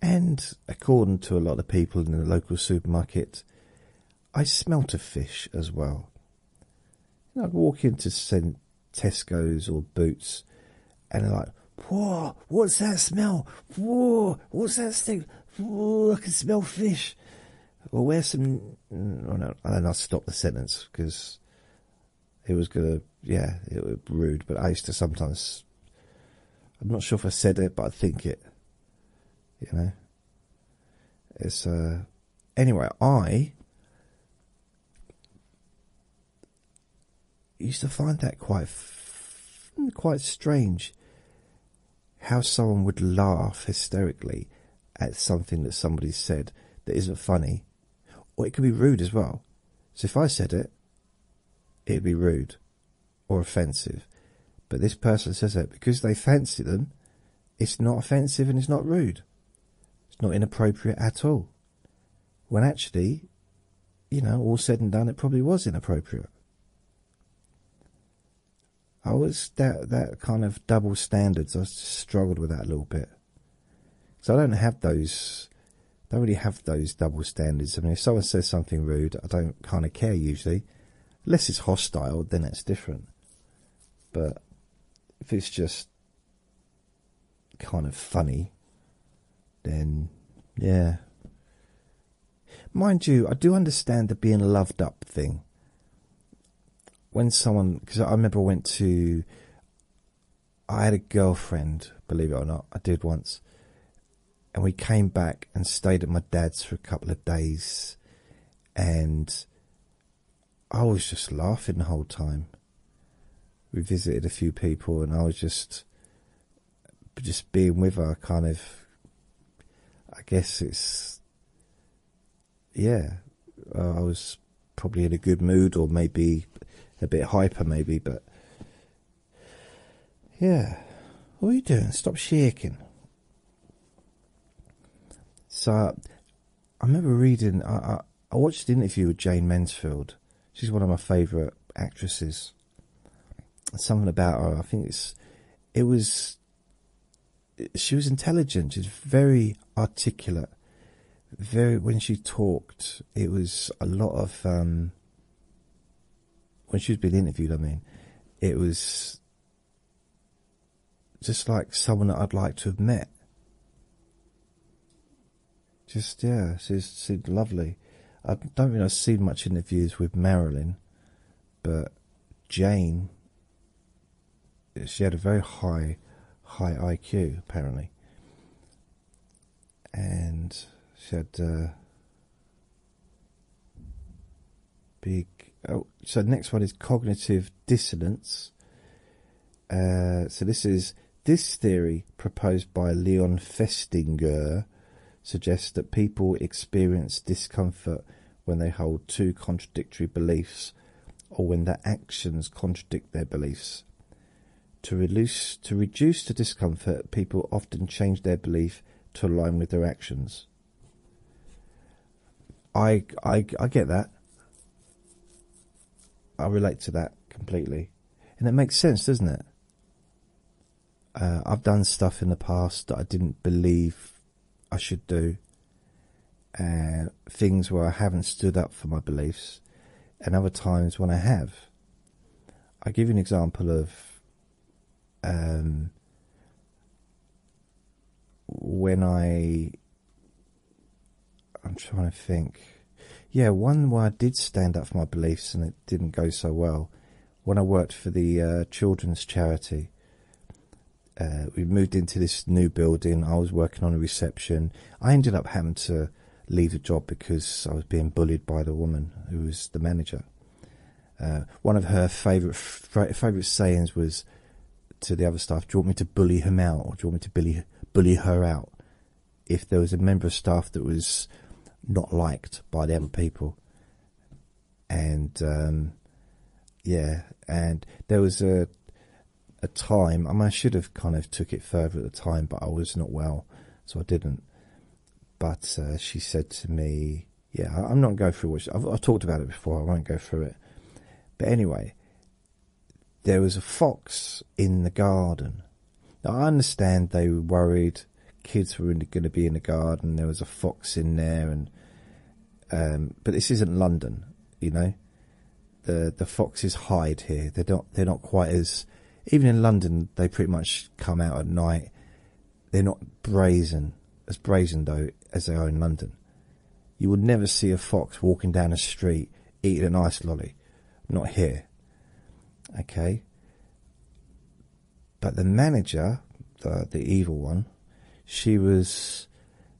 and according to a lot of people in the local supermarket, I smelt of fish as well. And I'd walk into Tesco's or Boots, and they like, Poor, what's that smell? Whoa, what's that stink? I can smell fish. Well, where's some. Oh no, and then I stop the sentence because it was gonna. Yeah, it was rude, but I used to sometimes. I'm not sure if I said it, but I think it. You know? It's, uh. Anyway, I. used to find that quite. quite strange how someone would laugh hysterically at something that somebody said that isn't funny, or it could be rude as well. So if I said it, it'd be rude or offensive. But this person says that because they fancy them, it's not offensive and it's not rude. It's not inappropriate at all. When actually, you know, all said and done, it probably was inappropriate. I was that that kind of double standards. I struggled with that a little bit. because I don't have those. Don't really have those double standards. I mean, if someone says something rude, I don't kind of care usually, unless it's hostile. Then it's different. But if it's just kind of funny, then yeah, Mind you, I do understand the being loved up thing. When someone, because I remember I went to, I had a girlfriend, believe it or not, I did once. And we came back and stayed at my dad's for a couple of days. And I was just laughing the whole time. We visited a few people and I was just just being with her kind of I guess it's yeah uh, I was probably in a good mood or maybe a bit hyper maybe but yeah what are you doing stop shaking so I remember reading I I, watched the interview with Jane Mansfield she's one of my favorite actresses something about her. I think it's it was she was intelligent. She was very articulate. Very when she talked, it was a lot of um, when she was being interviewed. I mean, it was just like someone that I'd like to have met. Just yeah, she's, she's lovely. I don't think I've seen much interviews with Marilyn but Jane, she had a very high, high IQ apparently, and she had uh, big. Oh, so next one is cognitive dissonance. Uh, so this is this theory proposed by Leon Festinger suggests that people experience discomfort when they hold two contradictory beliefs or when their actions contradict their beliefs. To reduce, to the discomfort, people often change their belief to align with their actions. I, I, I get that. I relate to that completely. And it makes sense, doesn't it? Uh, I've done stuff in the past that I didn't believe I should do, and things where I haven't stood up for my beliefs, and other times when I have. i give you an example of um, when I. I'm trying to think. Yeah, one where I did stand up for my beliefs and it didn't go so well when I worked for the uh, children's charity. Uh, we moved into this new building. I was working on a reception. I ended up having to leave the job because I was being bullied by the woman who was the manager. Uh, one of her favorite favorite sayings was to the other staff, "Do you want me to bully him out, or do you want me to bully bully her out?" If there was a member of staff that was not liked by them people, and um, yeah, and there was a a time. I mean, I should have kind of took it further at the time, but I was not well, so I didn't. But uh, she said to me, "Yeah, I'm not going through what she, I've, I've talked about it before. I won't go through it." But anyway, there was a fox in the garden. Now I understand they were worried kids were going to be in the garden. There was a fox in there, and um, but this isn't London, you know. The the foxes hide here. They're not they're not quite as even in London. They pretty much come out at night. They're not brazen as brazen though as they are in London. You would never see a fox walking down a street eating an ice lolly. Not here. Okay. But the manager, the evil one, she was,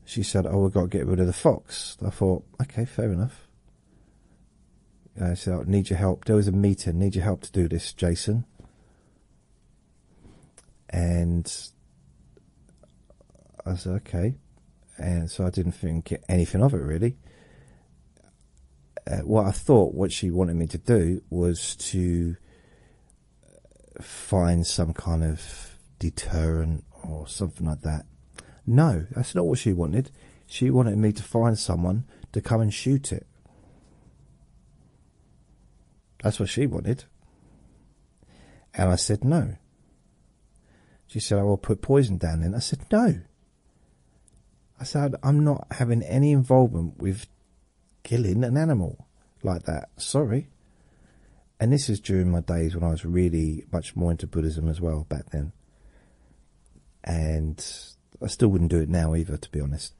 she said, "Oh, we've got to get rid of the fox." I thought, okay, fair enough. I said, I "Need your help." There was a meeting. Need your help to do this, Jason. And I said, "Okay," and so I didn't think anything of it really. Uh, what I thought, what she wanted me to do, was to find some kind of deterrent or something like that. No, that's not what she wanted. She wanted me to find someone to come and shoot it. That's what she wanted. And I said no. She said, I will put poison down Then I said, no. I said, I'm not having any involvement with killing an animal like that. Sorry. And this is during my days when I was really much more into Buddhism as well back then. And I still wouldn't do it now either, to be honest.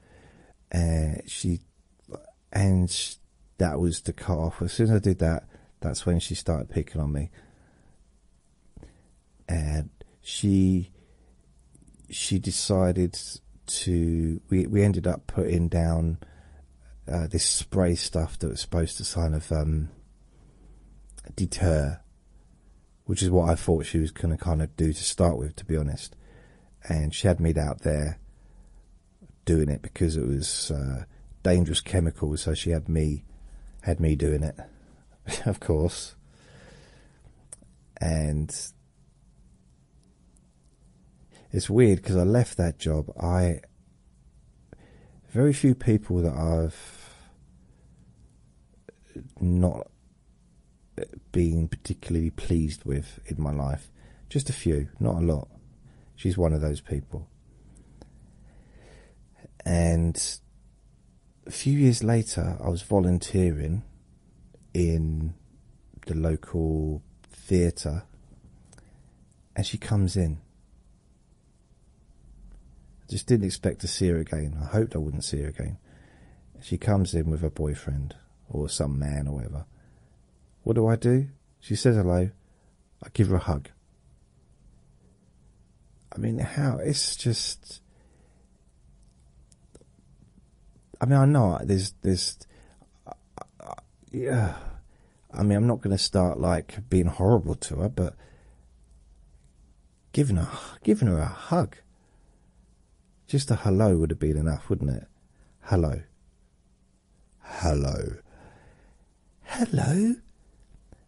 she, and that was the cut off. As soon as I did that, that's when she started picking on me. And she she decided to. We we ended up putting down uh, this spray stuff that was supposed to kind of um, deter, which is what I thought she was going to kind of do to start with, to be honest. And she had me out there doing it because it was uh, dangerous chemicals, so she had me had me doing it, of course. And it's weird because I left that job. I very few people that I've not been particularly pleased with in my life. Just a few, not a lot. She's one of those people. And a few years later, I was volunteering in the local theatre, and she comes in. I just didn't expect to see her again. I hoped I wouldn't see her again. She comes in with her boyfriend or some man or whatever. What do I do? She says hello. I give her a hug. I mean, how? It's just. I mean, I know there's, there's yeah, I mean, I'm not going to start like being horrible to her, but giving her, giving her a hug, just a hello would have been enough, wouldn't it? Hello, hello, hello.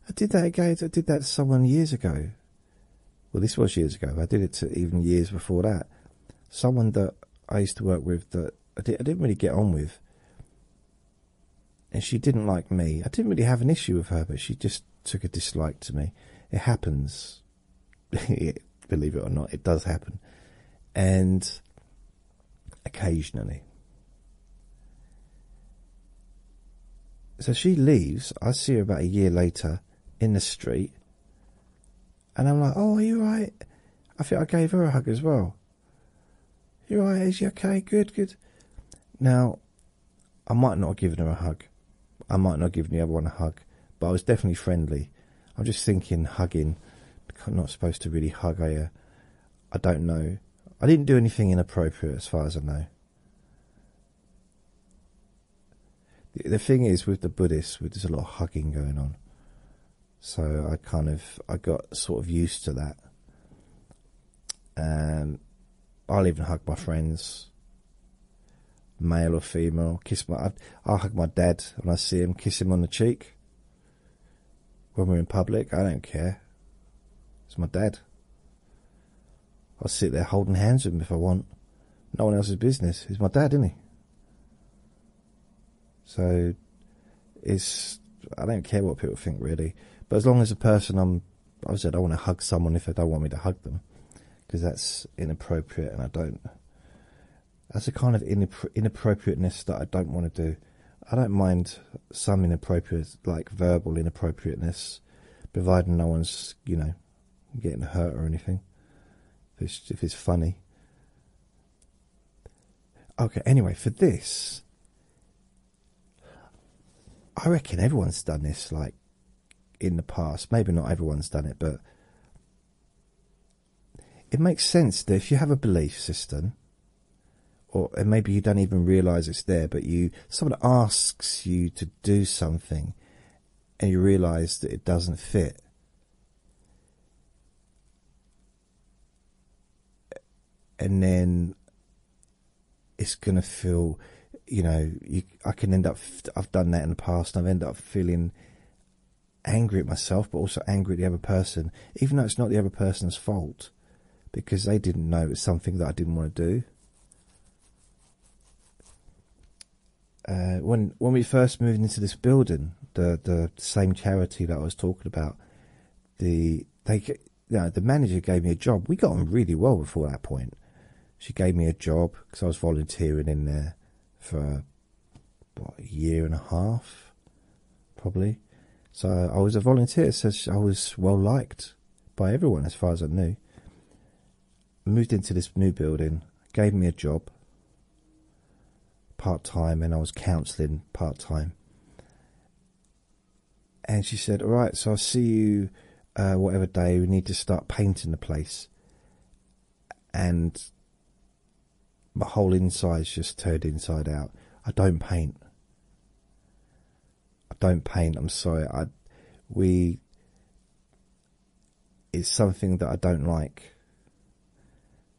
I did that again. I did that to someone years ago. Well, this was years ago. I did it to even years before that. Someone that I used to work with that I, didn't really get on with, and she didn't like me. I didn't really have an issue with her, but she just took a dislike to me. It happens, believe it or not, it does happen, and occasionally. So she leaves. I see her about a year later in the street. And I'm like, oh, are you right? I think I gave her a hug as well. You right? Is she okay? Good, good. Now, I might not have given her a hug. I might not have given the other one a hug, but I was definitely friendly. I'm just thinking hugging. I'm not supposed to really hug, are I don't know. I didn't do anything inappropriate as far as I know. the thing is, with the Buddhists, there's a lot of hugging going on so I kind of I got sort of used to that. Um, I'll even hug my friends, male or female. Kiss my i hug my dad when I see him, kiss him on the cheek. When we're in public, I don't care. It's my dad. I'll sit there holding hands with him if I want. No one else's business. He's my dad, isn't he? So it's I don't care what people think really, but as long as a person I'm, um, I said I want to hug someone if they don't want me to hug them, because that's inappropriate and I don't. That's a kind of inappropriateness that I don't want to do. I don't mind some inappropriate, like verbal inappropriateness, providing no one's you know getting hurt or anything. if it's funny, Okay, anyway, for this, I reckon everyone's done this like in the past. Maybe not everyone's done it, but it makes sense that if you have a belief system, or maybe you don't even realize it's there, but you someone asks you to do something and you realize that it doesn't fit and then it's going to feel, you know, I can end up, I've done that in the past, I've ended up feeling angry at myself, but also angry at the other person, even though it's not the other person's fault, because they didn't know it's something that I didn't want to do. Uh, when when we first moved into this building, the the same charity that I was talking about, the they know, the manager gave me a job. We got on really well before that point. She gave me a job because I was volunteering in there for what, a year and a half, probably. So I was a volunteer, so I was well liked by everyone as far as I knew. Moved into this new building, gave me a job part time and I was counseling part time. And she said, All right, so I'll see you uh, whatever day. We need to start painting the place. And my whole inside's just turned inside out. I don't paint. I don't paint. I'm sorry. I we. It's something that I don't like.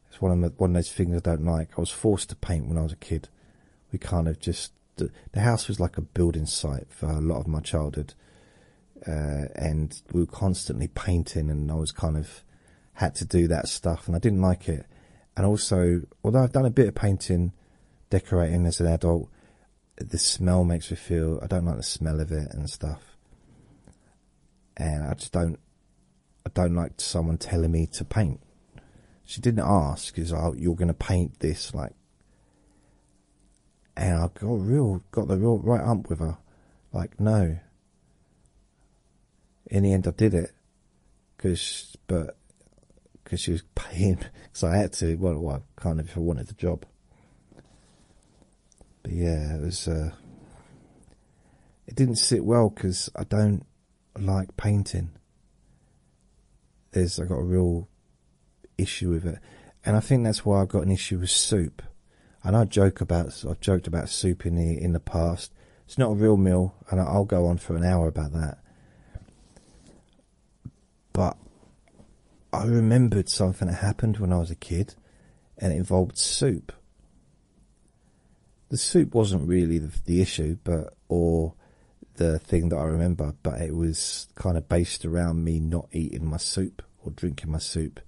It's one of one of those things I don't like. I was forced to paint when I was a kid. We kind of just the, house was like a building site for a lot of my childhood, uh, and we were constantly painting, and I was kind of had to do that stuff, and I didn't like it. And also, although I've done a bit of painting, decorating as an adult, the smell makes me feel I don't like the smell of it and stuff. And I just don't I don't like someone telling me to paint. She didn't ask, is oh, you're going to paint this like. And I got real, got the real right up with her, like no. In the end, I did it, cause but, cause she was paying, cause I had to. Well, I kind of if I wanted the job. But yeah, it was. Uh, it didn't sit well because I don't like painting. There's I got a real issue with it, and I think that's why I've got an issue with soup. And I joke about I've joked about soup in the in the past. It's not a real meal, and I'll go on for an hour about that. But I remembered something that happened when I was a kid, and it involved soup. The soup wasn't really the, issue, but or the thing that I remember, but it was kind of based around me not eating my soup or drinking my soup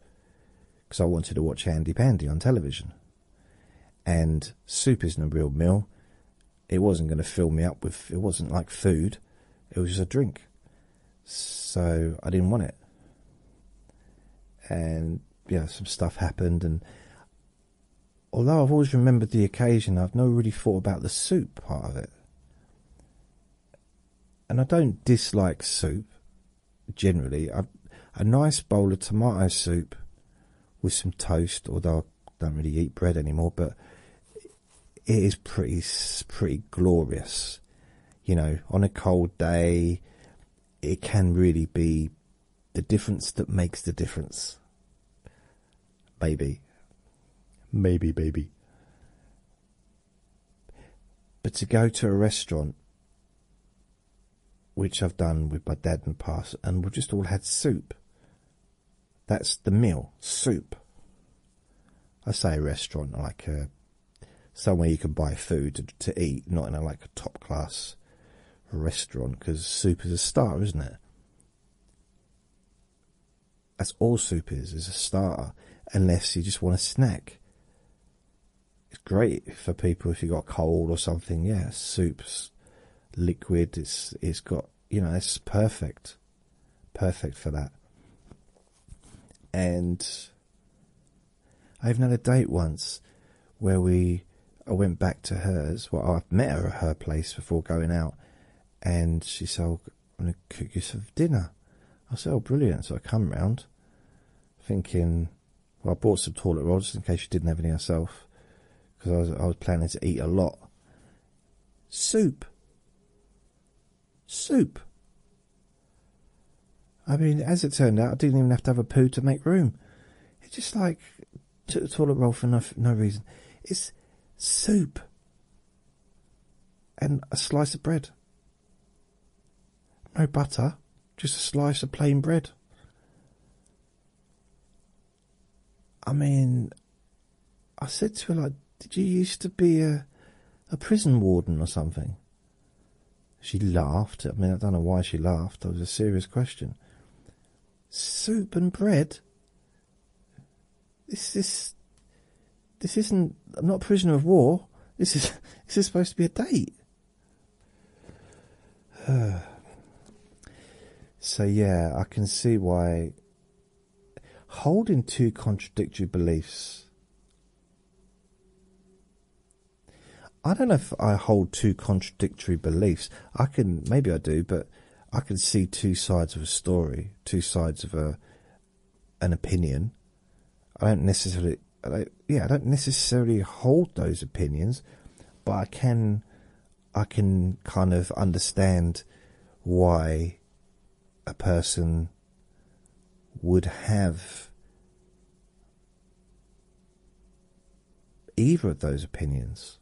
because I wanted to watch Handy Pandy on television. And soup isn't a real meal. It wasn't going to fill me up with, it wasn't like food, it was just a drink. So I didn't want it. And you know, some stuff happened, and although I've always remembered the occasion, I've never really thought about the soup part of it. And I don't dislike soup generally. A nice bowl of tomato soup with some toast, although I don't really eat bread anymore, but it is pretty pretty glorious. You know, on a cold day, it can really be the difference that makes the difference. baby, Maybe, baby. But to go to a restaurant, which I've done with my dad and past, and we've just all had soup. That's the meal, soup. I say restaurant, like uh, somewhere you can buy food to, to eat, not in a, like a top class restaurant because soup is a starter, isn't it? That's all soup is, is a starter, unless you just want a snack. It's great for people if you got cold or something. Yeah, soup's liquid. It's it's got you know it's perfect, perfect for that. And I even had a date once where we I went back to hers. Well, I met her at her place before going out, and she said, oh, "I'm going to cook you some dinner." I said, "Oh, brilliant!" So I come round, thinking, "Well, I bought some toilet rolls just in case she didn't have any herself, because I was planning to eat a lot." Soup. Soup. I mean, as it turned out, I didn't even have to have a poo to make room. It's just like took the toilet roll for no, no reason. It's soup and a slice of bread. No butter, just a slice of plain bread. I mean, I said to her, like, did you used to be a, a prison warden or something? She laughed. I mean, I don't know why she laughed. That was a serious question. Soup and bread. This is. This isn't. I'm not prisoner of war. This is. This is supposed to be a date. so yeah, I can see why. Holding two contradictory beliefs I don't know if I hold two contradictory beliefs. I can, maybe I do, but I can see two sides of a story, two sides of a an opinion. I don't necessarily, yeah, I don't necessarily hold those opinions, but I can, I can kind of understand why a person would have either of those opinions.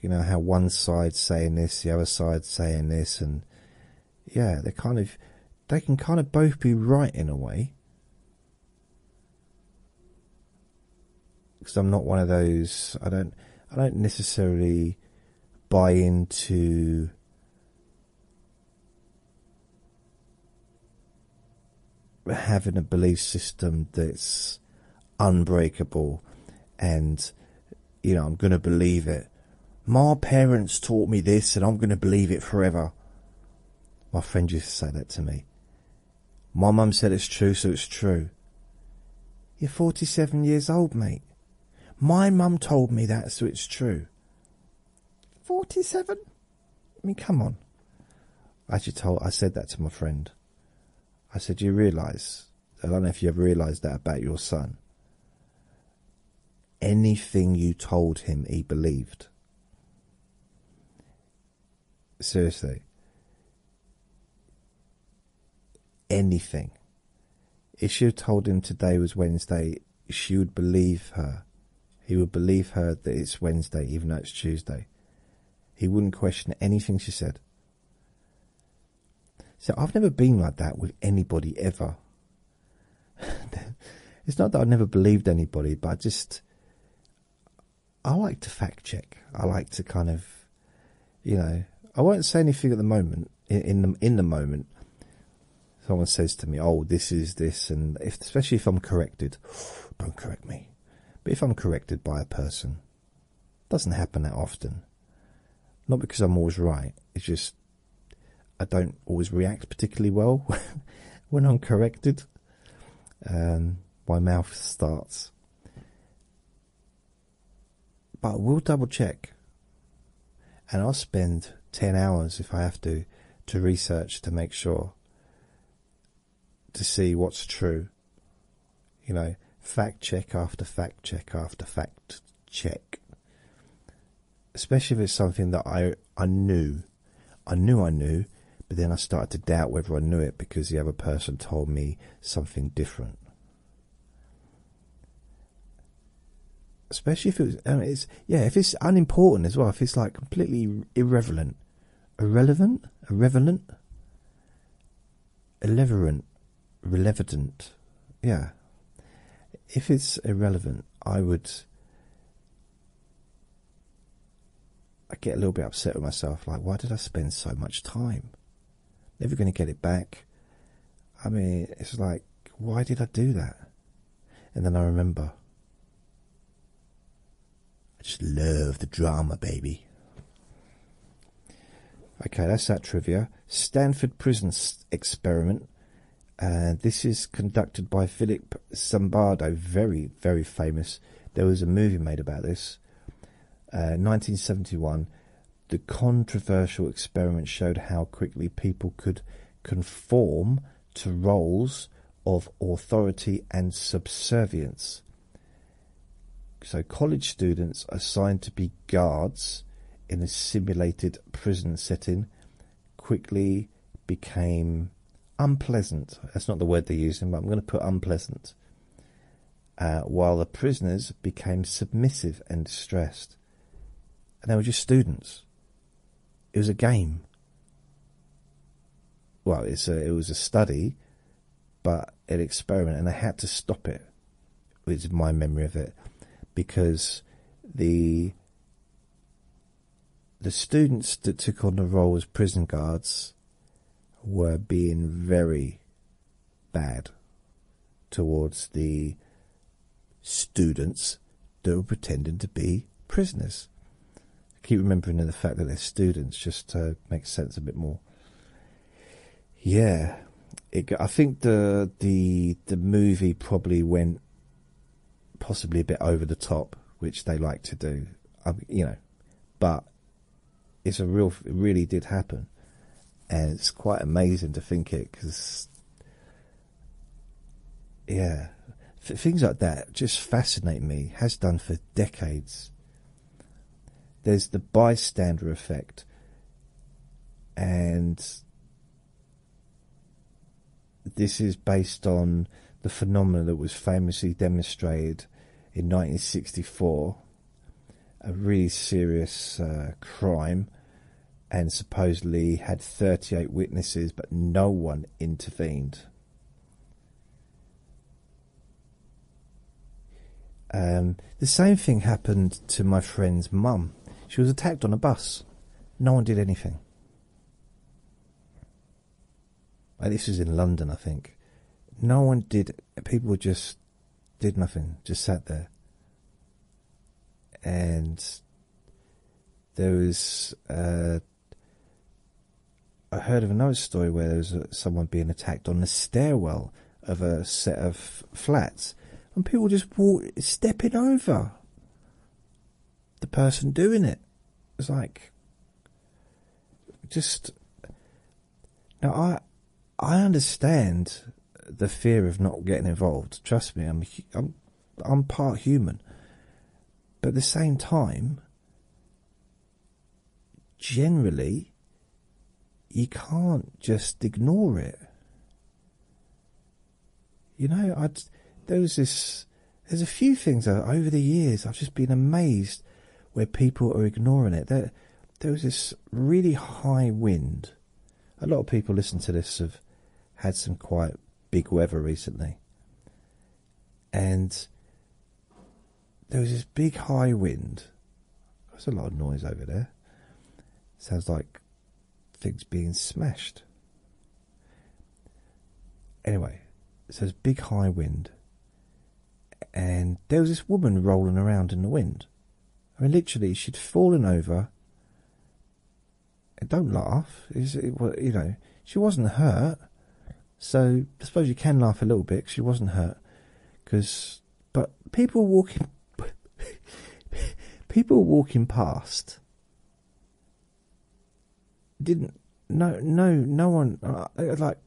You know, how one side's saying this, the other side's saying this, and yeah, they kind of they can kind of both be right in a way. Because I'm not one of those I don't I don't necessarily buy into having a belief system that's unbreakable and you know i'm going to believe it my parents taught me this and i'm going to believe it forever my friend used to say that to me my mum said it's true so it's true you're 47 years old mate my mum told me that so it's true 47 I mean, come on. As you told I said that to my friend. I said, You realise I don't know if you have realised that about your son. Anything you told him he believed. Seriously. Anything. If you told him today was Wednesday she would believe her. He would believe her that it's Wednesday, even though it's Tuesday. He wouldn't question anything she said. So I've never been like that with anybody ever. it's not that I've never believed anybody, but I just. I like to fact check. I like to kind of, you know, I won't say anything at the moment. In, the in the moment, someone says to me, "Oh, this is this," and especially if I'm correct don't correct me. But if I'm corrected by a person, doesn't happen that often. Not because I'm always right. It's just I don't always react particularly well when I'm corrected. Um, my mouth starts. But we'll double check. And I'll spend 10 hours if I have to to research to make sure to see what's true. You know, fact check after fact check after fact check. Especially if it's something that I I knew. I knew I knew, but then I started to doubt whether I knew it because the other person told me something different. Especially if it's yeah, if it's unimportant as well, if it's like completely irrelevant, Irrelevant? Irrelevant? Irrelevant. Relevant. Yeah. If it's irrelevant, I would. I get a little bit upset with myself. Like, why did I spend so much time? Never going to get it back. I mean, it's like, why did I do that? And then I remember. I just love the drama, baby. Okay, that's that trivia. Stanford Prison Experiment. Uh, this is conducted by Philip Zimbardo, very, very famous. There was a movie made about this. 1971. Uh, the controversial experiment showed how quickly people could conform to roles of authority and subservience. So, college students assigned to be guards in a simulated prison setting quickly became unpleasant. That's not the word they're using, but I'm going to put unpleasant. Uh, while the prisoners became submissive and distressed. And they were just students it was a game. Well, it's a, it was a study, but an experiment, and I had to stop it. it. Is my memory of it, because the the students that took on the role as prison guards were being very bad towards the students that were pretending to be prisoners keep remembering the fact that they're students just to make sense a bit more. Yeah, I think the the the movie probably went possibly a bit over the top, which they like to do. you know, but it's a real, it really did happen, and it's quite amazing to think it because, yeah, things like that just fascinate me, has done for decades. There's the bystander effect, and this is based on the phenomenon that was famously demonstrated in 1964 a really serious uh, crime and supposedly had 38 witnesses, but no one intervened. Um, the same thing happened to my friend's mum. She was attacked on a bus. No one did anything. this was in London, I think. No one did. People just did nothing. Just sat there. And there was uh, I heard of another story where there was someone being attacked on the stairwell of a set of flats, and people just walk, stepping over the person doing it. It's like just now. I I understand the fear of not getting involved. Trust me, I'm I'm I'm part human, but at the same time, generally you can't just ignore it. You know, I there was this. There's a few things over the years I've just been amazed where people are ignoring it. There, there was this really high wind. A lot of people listen to this have had some quite big weather recently, and there was this big high wind. There's a lot of noise over there. Sounds like things being smashed. Anyway, so there's big high wind, and there was this woman rolling around in the wind. I mean, literally, she'd fallen over. don't laugh. It it was, you know, she wasn't hurt. So I suppose you can laugh a little bit because she wasn't hurt. Because, but people walking, people walking past didn't. No, no, no one. Uh, uh, like,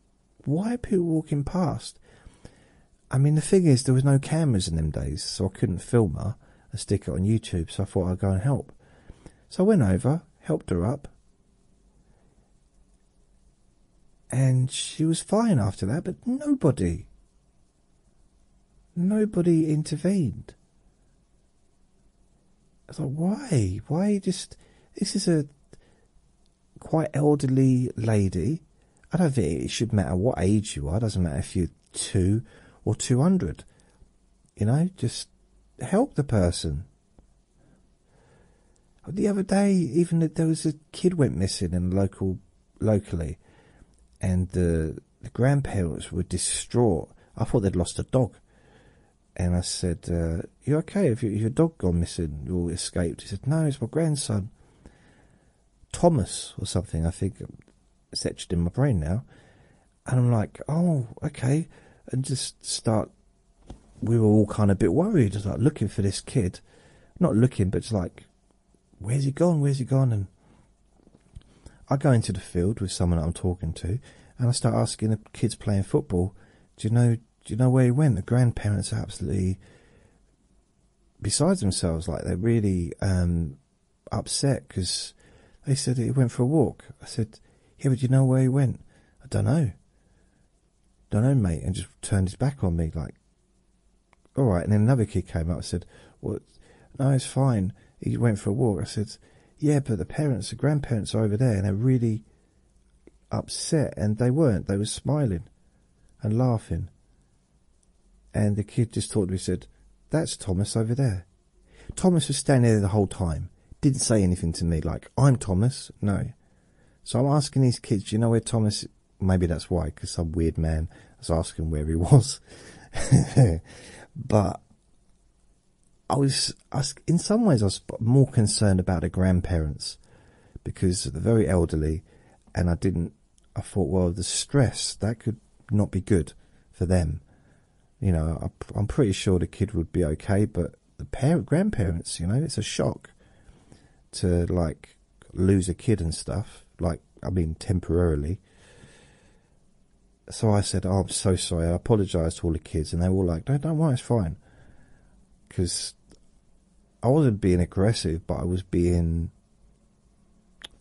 why are people walking past? I mean, the thing is, there was no cameras in them days, so I couldn't film her and stick it on YouTube. So I thought I'd go and help. So I went over, helped her up, and she was fine after that, but nobody, nobody intervened. I thought, why? Why just, this is a quite elderly lady. I don't think it should matter what age you are. It doesn't matter if you're two or 200. You know, just help the person. The other day, even that there was a kid went missing in local, locally, and the grandparents were distraught. I thought they'd lost a dog, and I said, uh, "You okay? If your dog gone missing or escaped?" He said, "No, it's my grandson, Thomas or something. I think etched in my brain now." And I'm like, "Oh, okay," and just start we were all kind of a bit worried, just like looking for this kid, not looking, but just like, where's he gone? Where's he gone? And I go into the field with someone I'm talking to, and I start asking the kids playing football, do you know? Do you know where he went? The grandparents are absolutely besides themselves, like they're really um, upset because they said he went for a walk. I said, yeah, but do you know where he went? I don't know don't know, mate, and just turned his back on me, like, all right. And then another kid came up and said, "What? no, it's fine. He went for a walk. I said, yeah, but the parents, the grandparents are over there, and they're really upset. And they weren't. They were smiling and laughing. And the kid just talked to me said, that's Thomas over there. Thomas was standing there the whole time. Didn't say anything to me, like, I'm Thomas. No. So I'm asking these kids, do you know where Thomas? Maybe that's why, because some weird man was asking where he was. but I was, in some ways, I was more concerned about the grandparents because they're very elderly, and I didn't. I thought, well, the stress that could not be good for them. You know, I'm pretty sure the kid would be okay, but the parent grandparents. You know, it's a shock to like lose a kid and stuff. Like, I mean, temporarily. So I said, oh, I'm so sorry." I apologize to all the kids, and they were all like, "No, don't worry, it's fine." Because I wasn't being aggressive, but I was being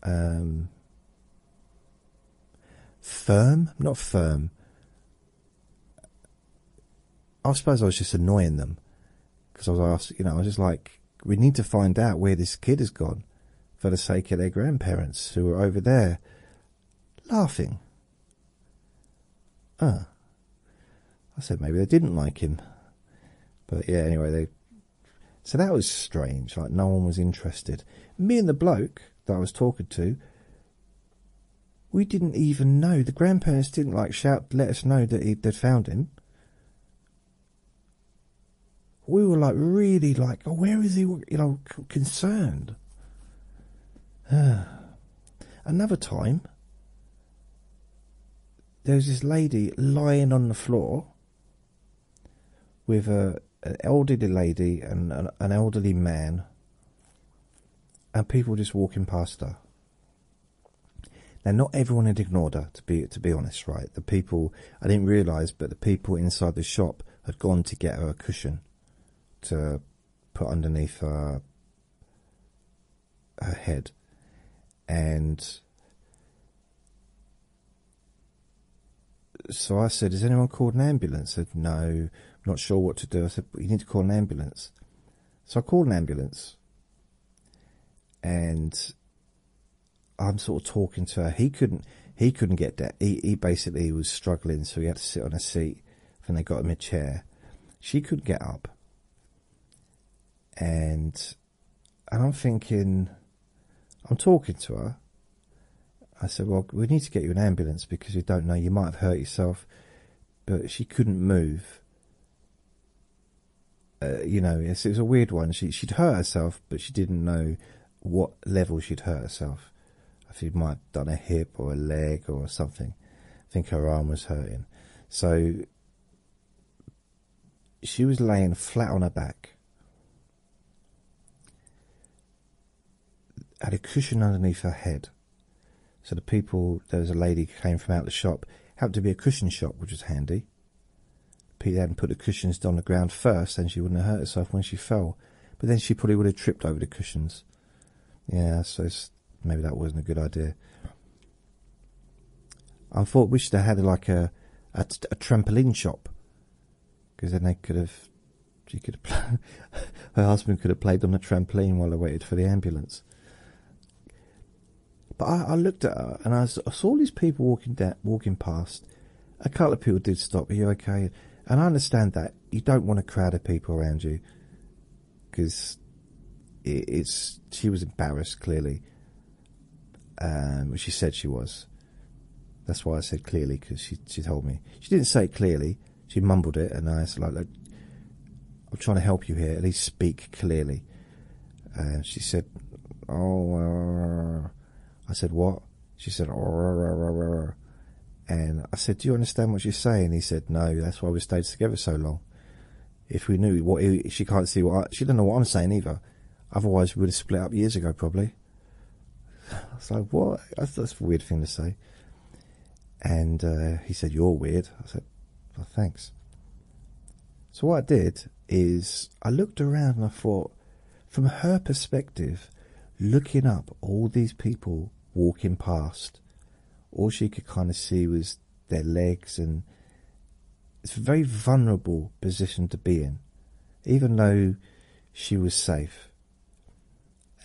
um, firm. Not firm. I suppose I was just annoying them because I was asked, you know, I was just like, we need to find out where this kid has gone for the sake of their grandparents who are over there laughing. Ah, I said maybe they didn't like him, but yeah, anyway, they so that was strange, like no one was interested. Me and the bloke that I was talking to we didn't even know. The grandparents didn't like shout, to let us know that he, they'd found him. We were like really like, oh, where is he? You know, concerned. Another time, there was this lady lying on the floor with a an elderly lady and an, an elderly man, and people just walking past her. Now, not everyone had ignored her. To be to be honest, right? The people I didn't realise, but the people inside the shop had gone to get her a cushion to put underneath her head, and so I said, "Has anyone called an ambulance?" I said, "No, I'm not sure what to do." I said, "You need to call an ambulance." So I called an ambulance and I'm sort of talking to her. He couldn't he couldn't get down. He he basically was struggling, so he had to sit on a seat. Then they got him a chair. She could not get up. And and I'm thinking I'm talking to her. I said, Well, we need to get you an ambulance because we don't know, you might have hurt yourself but she couldn't move. Uh, you know, it was a weird one. She she'd hurt herself, but she didn't know what level she'd hurt herself. I think she might have done a hip or a leg or something. I think her arm was hurting, so she was laying flat on her back. Had a cushion underneath her head. So the people, there was a lady came from out the shop. Happened to be a cushion shop, which was handy. Peter hadn't put the cushions on the ground first, then she wouldn't have hurt herself when she fell. But then she probably would have tripped over the cushions. Yeah, so maybe that wasn't a good idea. I thought we should have had like a a, trampoline shop, because then they could have she could her husband could have played on the trampoline while I waited for the ambulance. But I, looked at her and I saw these people walking down, walking past. A couple of people did stop. Are you okay? And I understand that you don't want a crowd of people around you because it's she was embarrassed clearly. Um, she said she was. That's why I said clearly because she she told me she didn't say clearly. She mumbled it, and I said, I'm trying to help you here. At least speak clearly. Uh, she said, Oh, uh, I said, What? She said, oh, uh, uh, and I said, Do you understand what you're saying? He said, No, that's why we stayed together so long. If we knew what he, she can't see what she doesn't know what I'm saying either. Otherwise, we would have split up years ago, probably. I was What? That's, a weird thing to say. And he said, You're weird. I said, well, thanks. So, what I did is I looked around and I thought, from her perspective, looking up all these people walking past, all she could kind of see was their legs, and it's a very vulnerable position to be in, even though she was safe.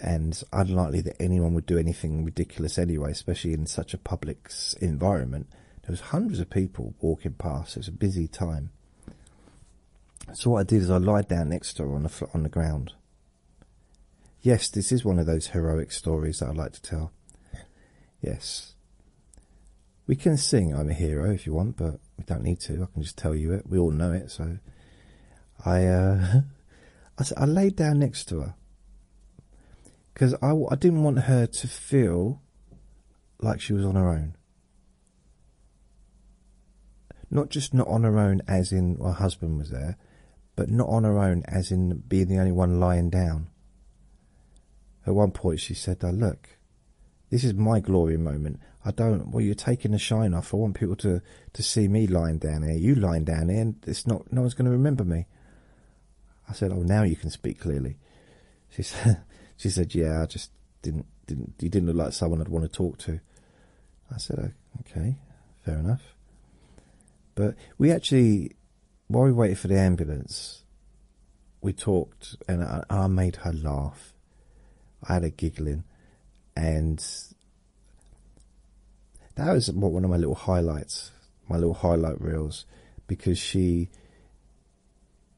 And it's unlikely that anyone would do anything ridiculous anyway, especially in such a public environment. There was hundreds of people walking past. It was a busy time. So what I did is I lied down next to her on the on the ground. Yes, this is one of those heroic stories that I like to tell. Yes. We can sing I'm a Hero if you want, but we don't need to. I can just tell you it. We all know it, so I uh I, I laid down next to her because I, I didn't want her to feel like she was on her own. Not just not on her own, as in her husband was there, but not on her own, as in being the only one lying down. At one point, she said, oh, Look, this is my glory moment. I don't, well, you're taking the shine off. I want people to, to see me lying down here. You lying down here, and it's not, no one's going to remember me. I said, "Oh, now you can speak clearly." She said, "She said, yeah, I just didn't didn't you didn't look like someone I'd want to talk to." I said, oh, "Okay, fair enough." But we actually, while we waited for the ambulance, we talked, and I, I made her laugh. I had her giggling, and that was one of my little highlights my little highlight reels because she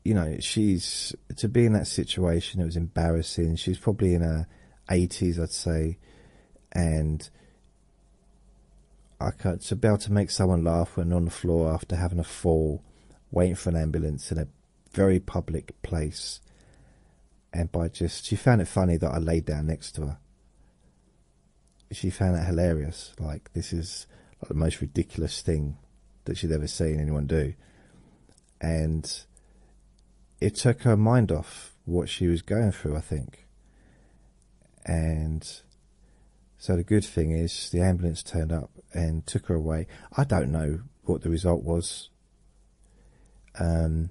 you know she's to be in that situation it was embarrassing she's probably in her 80s i'd say and i can't to be able to make someone laugh when on the floor after having a fall waiting for an ambulance in a very public place and by just she found it funny that i laid down next to her she found that hilarious. Like this is like the most ridiculous thing that she'd ever seen anyone do, and it took her mind off what she was going through. I think, and so the good thing is the ambulance turned up and took her away. I don't know what the result was. Um,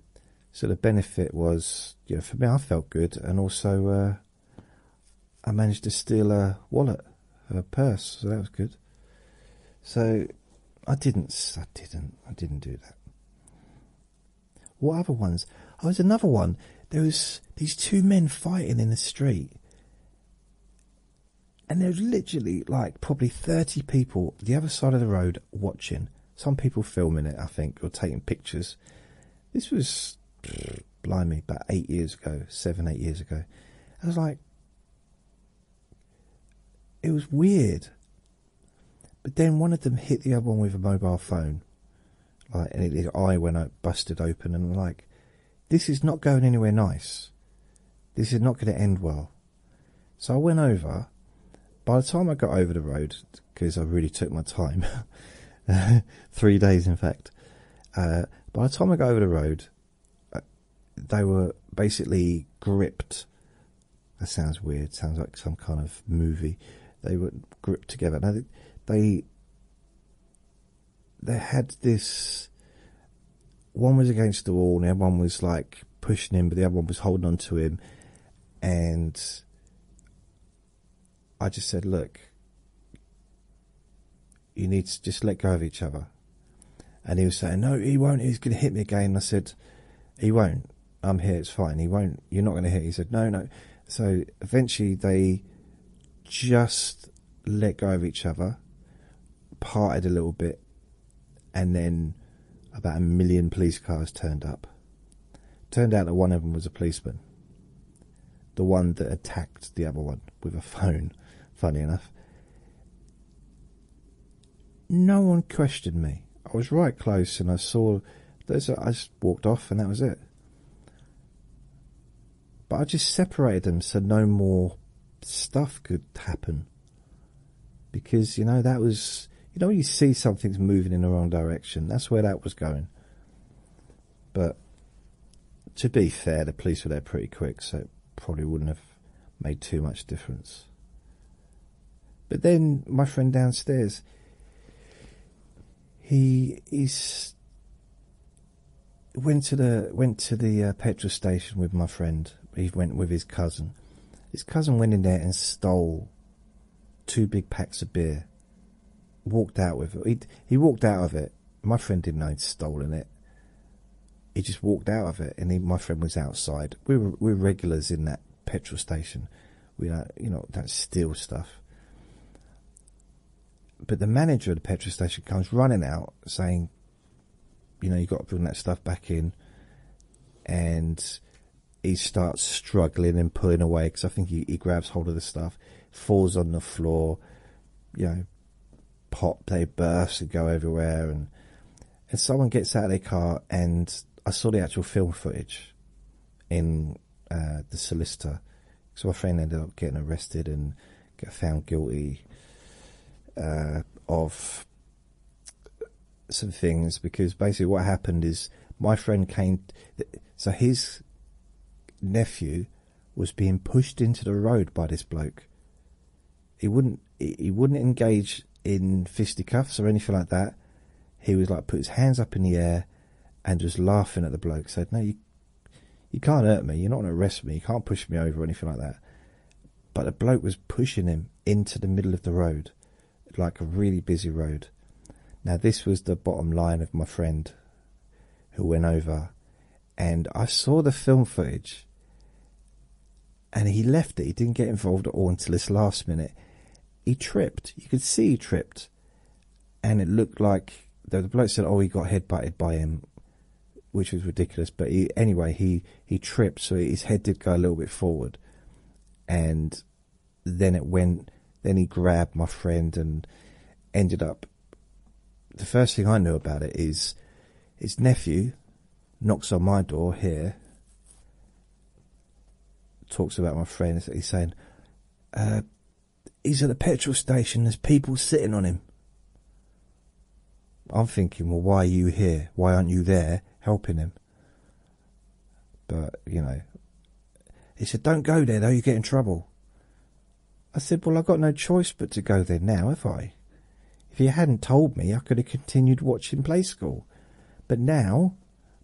so the benefit was, you know, for me, I felt good, and also. Uh, I managed to steal a wallet, a purse, so that was good. So I didn't, I didn't, I didn't do that. What other ones? Oh, there's another one. There was these two men fighting in the street. And there was literally like probably 30 people the other side of the road watching. Some people filming it, I think, or taking pictures. This was, blind me about eight years ago, seven, eight years ago. I was like, it was weird. But then one of them hit the other one with a mobile phone. Like, and his eye went out, busted open, and like, this is not going anywhere nice. This is not going to end well. So I went over. By the time I got over the road, because I really took my time. Three days, in fact. Uh, by the time I got over the road, uh, they were basically gripped. That sounds weird. Sounds like some kind of movie. They were gripped together. they, they, had this. One was against the wall, and the other one was like pushing him, but the other one was holding on to him, and I just said, look, you need to just let go of each other. And he was saying, no, he won't. He's going to hit me again. I said, he won't. I'm here. It's fine. He won't. You're not going to hit. He said, no, no. So eventually they just let go of each other, parted a little bit, and then about a million police cars turned up. Turned out that one of them was a policeman. The one that attacked the other one with a phone, funny enough. No one questioned me. I was right close and I saw. There's a, I just walked off and that was it. But I just separated them so no more stuff could happen. Because, you know, that was. You know, you see something's moving in the wrong direction, that's where that was going. But to be fair, the police were there pretty quick, so it probably wouldn't have made too much difference. But then my friend downstairs, he is went to the went to the uh, petrol station with my friend. He went with his cousin. His cousin went in there and stole two big packs of beer walked out with it. He, walked out of it. My friend didn't know he'd stolen it. He just walked out of it, and my friend was outside. We are regulars in that petrol station. We don't you know don't steal stuff. But the manager of the petrol station comes running out saying, "You know you got to bring that stuff back in," and he starts struggling and pulling away because I think he grabs hold of the stuff falls on the floor, you know, pop, they burst and go everywhere, and and someone gets out of their car, and I saw the actual film footage in uh, the solicitor, so my friend ended up getting arrested and get found guilty uh, of some things because basically what happened is my friend came, so his nephew was being pushed into the road by this bloke. He wouldn't he wouldn't engage in fisticuffs or anything like that. He was like put his hands up in the air and was laughing at the bloke. Said, "No, you you can't hurt me. You're not going to arrest me. You can't push me over or anything like that." But the bloke was pushing him into the middle of the road, like a really busy road. Now this was the bottom line of my friend who went over and I saw the film footage and he left it. He didn't get involved at all until this last minute. He tripped. You could see he tripped. And it looked like the bloke said, Oh, he got headbutted by him, which was ridiculous. But he, anyway, he, he tripped, so his head did go a little bit forward. And then it went then he grabbed my friend and ended up. The first thing I knew about it is his nephew knocks on my door here, talks about my friend. He's saying, uh, he's at the petrol station, there's people sitting on him. I'm thinking, well, why are you here? Why aren't you there helping him? But, you know, he said, don't go there though, you get in trouble. I said, Well, I've got no choice but to go there now, have I? If you hadn't told me, I could have continued watching Play School. But now,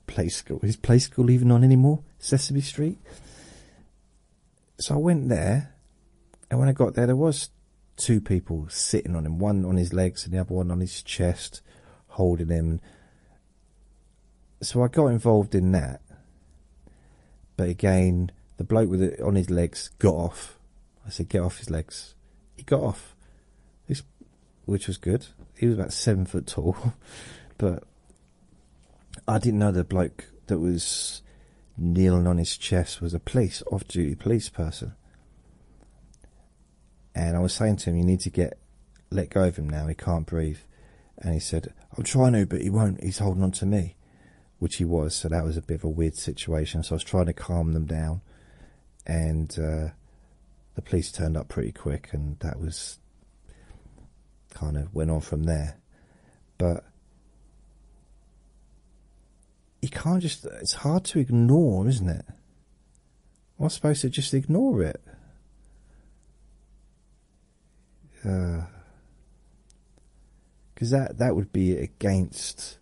Play School, is Play School even on anymore? Sesame Street? So I went there, and when I got there, there was two people sitting on him, one on his legs and the other one on his chest, holding him so I got involved in that. But again, the bloke with it on his legs got off. I said, "Get off his legs." He got off, He's, which was good. He was about seven foot tall, but I didn't know the bloke that was kneeling on his chest was a police off-duty police person. And I was saying to him, "You need to get let go of him now. He can't breathe." and he said, I'll try to, but he won't, he's holding on to me, which he was, so that was a bit of a weird situation. So I was trying to calm them down, and uh, the police turned up pretty quick, and that was kind of went on from there. But you can't just, it's hard to ignore, isn't it? I'm supposed to just ignore it because uh, that that would be against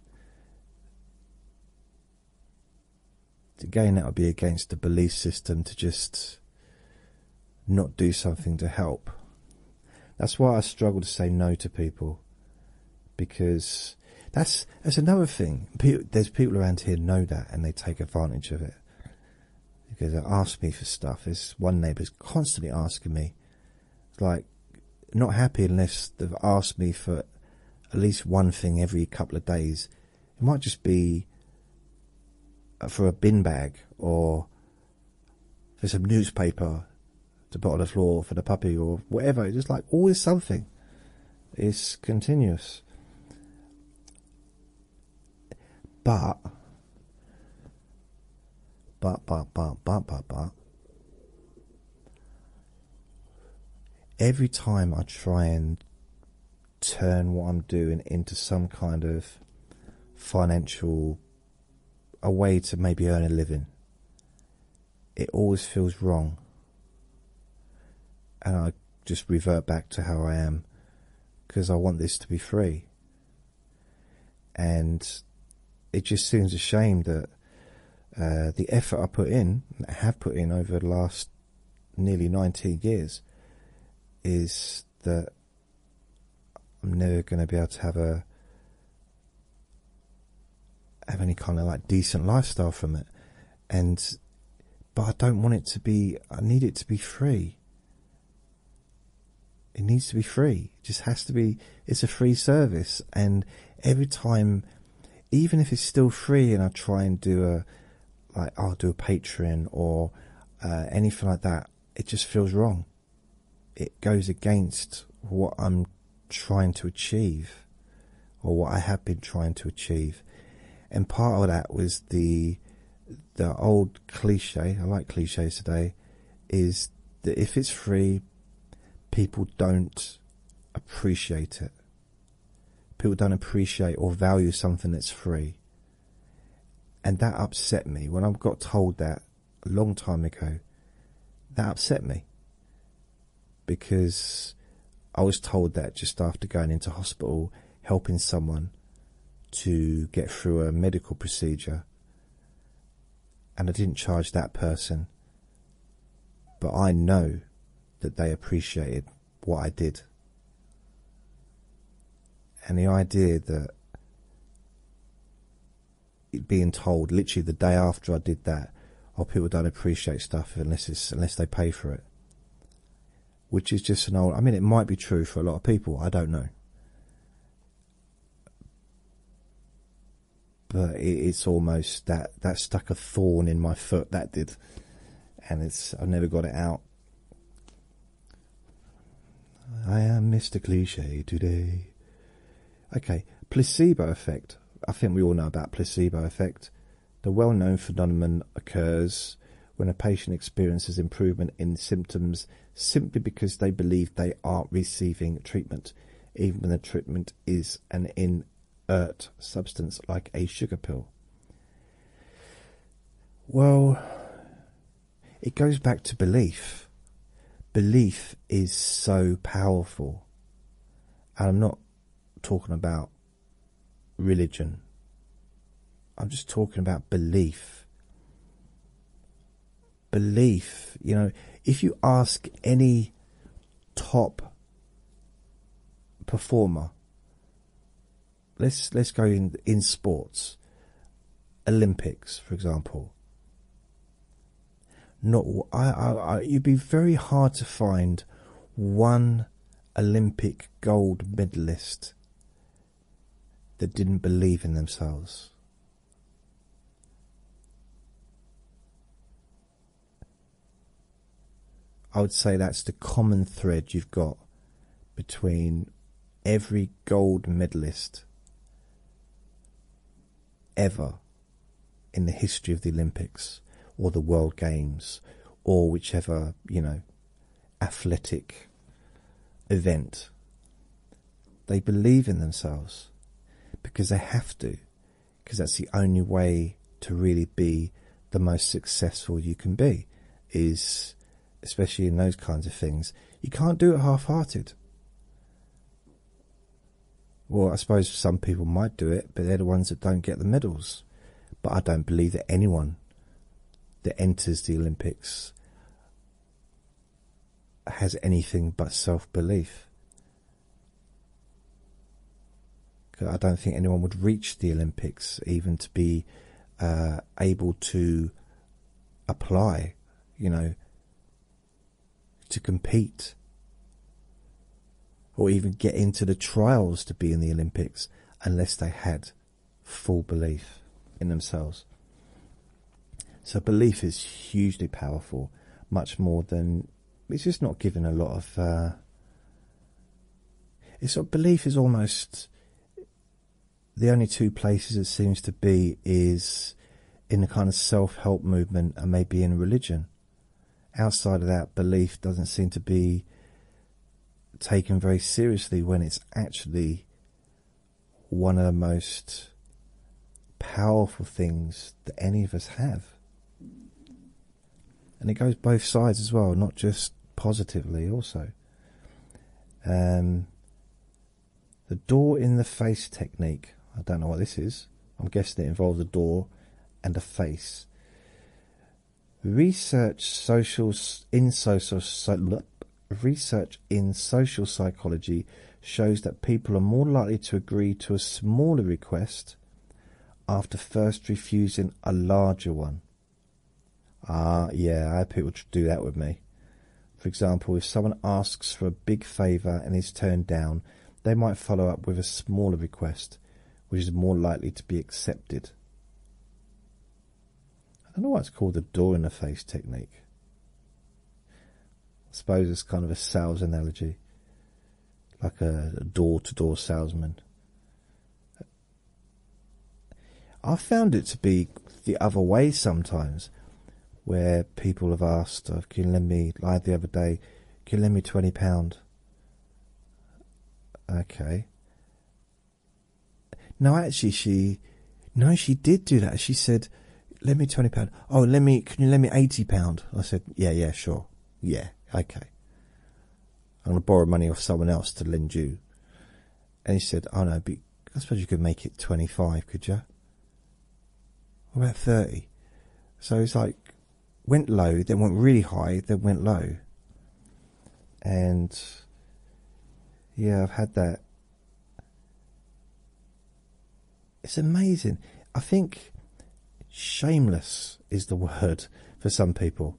again that would be against the belief system to just not do something to help. That's why I struggle to say no to people because that's that's another thing. there's people around here know that and they take advantage of it because they ask me for stuff. This one is constantly asking me, It's like, not happy unless they've asked me for at least one thing every couple of days. It might just be uh, for a bin bag or for some newspaper to put on the floor for the puppy or whatever. It's just like always something. It's continuous. But, but, but, but, but, but, every time I try and turn what I'm doing into some kind of financial, a way to maybe earn a living, it always feels wrong. And I just revert back to how I am because I want this to be free and it just seems a shame that uh, the effort I put in, I have put in over the last nearly 19 years, is that I'm never going to be able to have a have any kind of like decent lifestyle from it, and but I don't want it to be. I need it to be free. It needs to be free. It just has to be. It's a free service, and every time, even if it's still free, and I try and do a like I'll do a Patreon or uh, anything like that, it just feels wrong. It goes against what I'm trying to achieve, or what I have been trying to achieve, and part of that was the the old cliche, I like cliches today, is that if it's free, people don't appreciate it. People don't appreciate or value something that's free. And that upset me when I got told that a long time ago. That upset me because I was told that just after going into hospital, helping someone to get through a medical procedure and I didn't charge that person, but I know that they appreciated what I did. And the idea that being told literally the day after I did that, oh, people don't appreciate stuff unless unless they pay for it. Which is just an old. I mean, it might be true for a lot of people. I don't know but it's almost that that stuck a thorn in my foot that did and it's i've never got it out i am mr cliche today okay placebo effect i think we all know about placebo effect the well-known phenomenon occurs when a patient experiences improvement in symptoms simply because they believe they are receiving treatment, even when the treatment is an inert substance like a sugar pill. Well, it goes back to belief. Belief is so powerful. And I'm not talking about religion. I'm just talking about belief belief. You know, if you ask any top performer, let's let's go in in sports, Olympics, for example. Not I, I, you'd be very hard to find one Olympic gold medalist that didn't believe in themselves. I would say that's the common thread you've got between every gold medalist ever in the history of the Olympics or the World Games or whichever, you know, athletic event they believe in themselves because they have to, because that's the only way to really be the most successful you can be. Is especially in those kinds of things, you can't do it half hearted. Well, I suppose some people might do it, but they're the ones that don't get the medals. But I don't believe that anyone that enters the Olympics has anything but self-belief. I don't think anyone would reach the Olympics even to be uh, able to apply, you know, to compete or even get into the trials to be in the Olympics unless they had full belief in themselves. So belief is hugely powerful, much more than it's just not given a lot of. Uh, it's belief is almost the only two places it seems to be is in the kind of self-help movement and maybe in religion. Outside of that, belief doesn't seem to be taken very seriously when it's actually one of the most powerful things that any of us have. And it goes both sides as well, not just positively, also. Um, the door in the face technique. I don't know what this is. I'm guessing it involves a door and a face. Research social in social so, Research in social psychology shows that people are more likely to agree to a smaller request after first refusing a larger one. Ah, yeah, I have people do that with me. For example, if someone asks for a big favour and is turned down, they might follow up with a smaller request, which is more likely to be accepted. I don't know what it's called the door in the face technique. I suppose it's kind of a sales analogy, like a door to door salesman. I have found it to be the other way sometimes, where people have asked, oh, "Can you lend me?" Like the other day, "Can you lend me twenty pound?" Okay. No, actually, she, no, she did do that. She said, lend me twenty pound. Oh, lend me. Can you lend me eighty pound? I said, yeah, yeah, sure, yeah, okay. I'm gonna borrow money off someone else to lend you. And he said, oh no, but I suppose you could make it twenty five, could you? What about thirty? So it's like went low, then went really high, then went low. And yeah, I've had that it's amazing. I think shameless is the word for some people.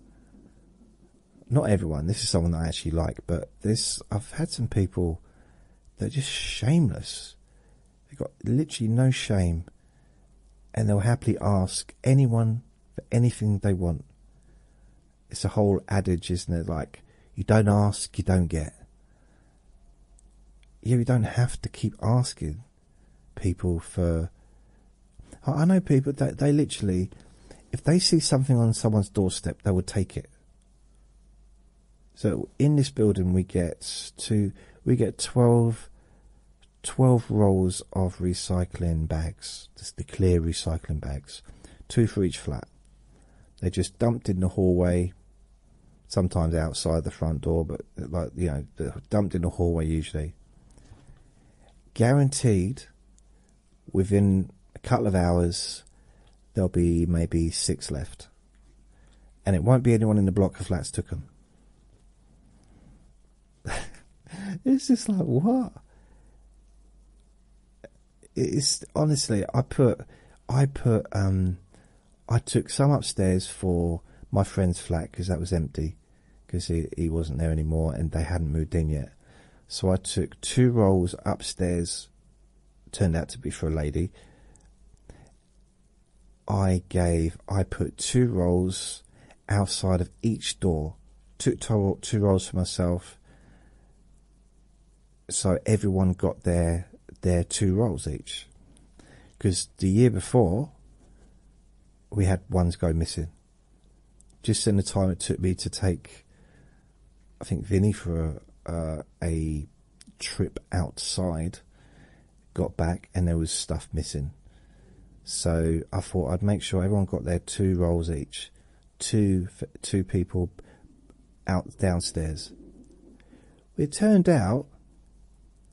Not everyone. This is someone I actually like, but this I've had some people that are just shameless. They've got literally no shame, and they'll happily ask anyone for anything they want. It's a whole adage, isn't it? Like you don't ask, you don't get yeah, we don't have to keep asking people for. I know people that they, literally, if they see something on someone's doorstep, they will take it. So in this building, we get to we get 12, 12 rolls of recycling bags, just the clear recycling bags, two for each flat. They're just dumped in the hallway, sometimes outside the front door, but like you know, dumped in the hallway usually. Guaranteed, within a couple of hours, there'll be maybe six left, and it won't be anyone in the block of flats took them. it's just like what? It's honestly, I put, I put um, I took some upstairs for my friend's flat because that was empty because he, he wasn't there anymore and they hadn't moved in yet. So I took two rolls upstairs, turned out to be for a lady. I gave, I put two rolls outside of each door, took two rolls for myself so everyone got their their two rolls each. Because the year before, we had ones go missing. Just in the time it took me to take, I think Vinny for a, uh, a trip outside, got back and there was stuff missing. So I thought I'd make sure everyone got their two rolls each, two two people out downstairs. It turned out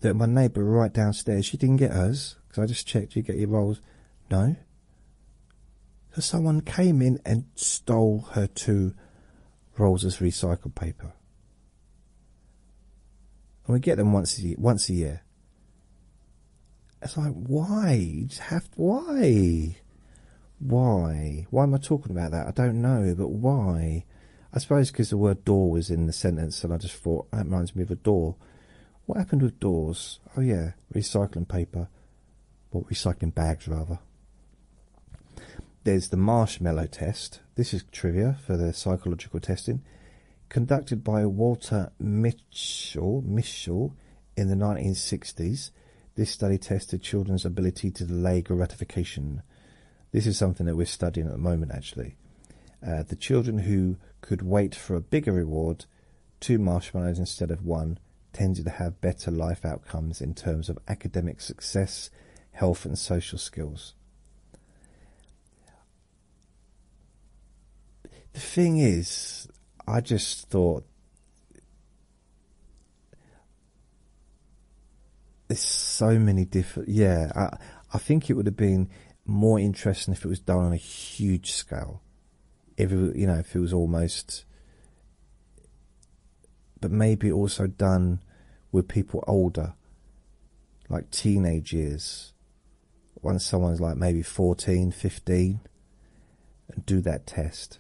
that my neighbour right downstairs, she didn't get us because I just checked you get your rolls. No. So someone came in and stole her two rolls of recycled paper. And we get them once a year, once a year. It's like why? You just have why? Why? Why am I talking about that? I don't know, but why? I suppose because the word door was in the sentence, and I just thought that reminds me of a door. What happened with doors? Oh, yeah, recycling paper, Well, recycling bags rather. There's the marshmallow test. This is trivia for the psychological testing conducted by Walter Mitchell, Mitchell in the 1960s. This study tested children's ability to delay gratification. This is something that we're studying at the moment, actually. Uh, the children who could wait for a bigger reward, two marshmallows instead of one, tended to have better life outcomes in terms of academic success, health, and social skills. The thing is, I just thought there's so many different. Yeah, I think it would have been more interesting if it was done on a huge scale. If it, you know, if it was almost. But maybe also done with people older, like teenagers. Once someone's like maybe 14, 15, and do that test.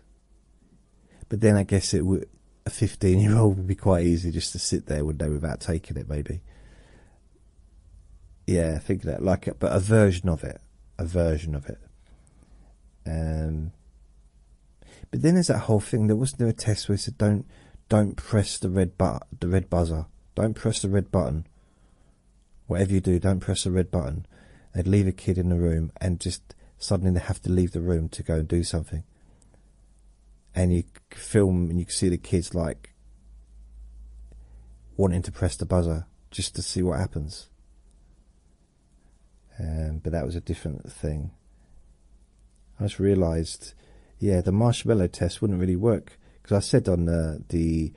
But then I guess it would a 15 year old would be quite easy just to sit there would they, without taking it maybe. Yeah, I think that like it, but a version of it, a version of it. Um, but then there's that whole thing. There wasn't there a test where it said don't don't press the red but the red buzzer. Don't press the red button. Whatever you do, don't press the red button. They'd leave a kid in the room and just suddenly they have to leave the room to go and do something and you film and you see the kids like wanting to press the buzzer just to see what happens. Um, but that was a different thing. I just realised, yeah, the marshmallow test wouldn't really work because I said on uh, the,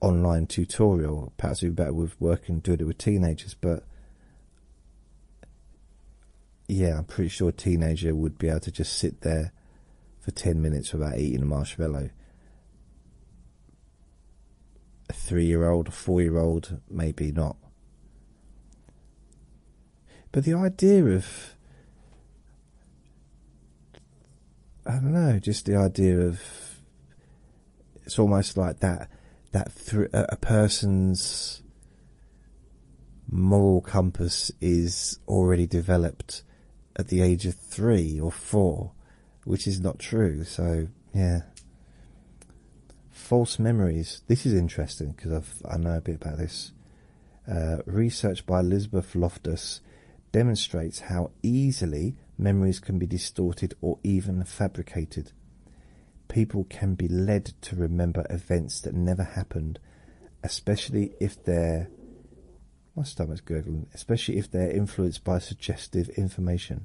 online tutorial, perhaps we would be better with working doing it with teenagers, but yeah, I'm pretty sure a teenager would be able to just sit there for 10 minutes without eating a marshmallow. A three year old, a four year old, maybe not. But the idea of, I don't know, just the idea of it's almost like that, that a person's moral compass is already developed at the age of three or four, which is not true. So yeah, false memories. This is interesting because i know a bit about this. Uh, research by Elizabeth Loftus demonstrates how easily memories can be distorted or even fabricated. People can be led to remember events that never happened especially if they're my stomach's gurgling, especially if they're influenced by suggestive information.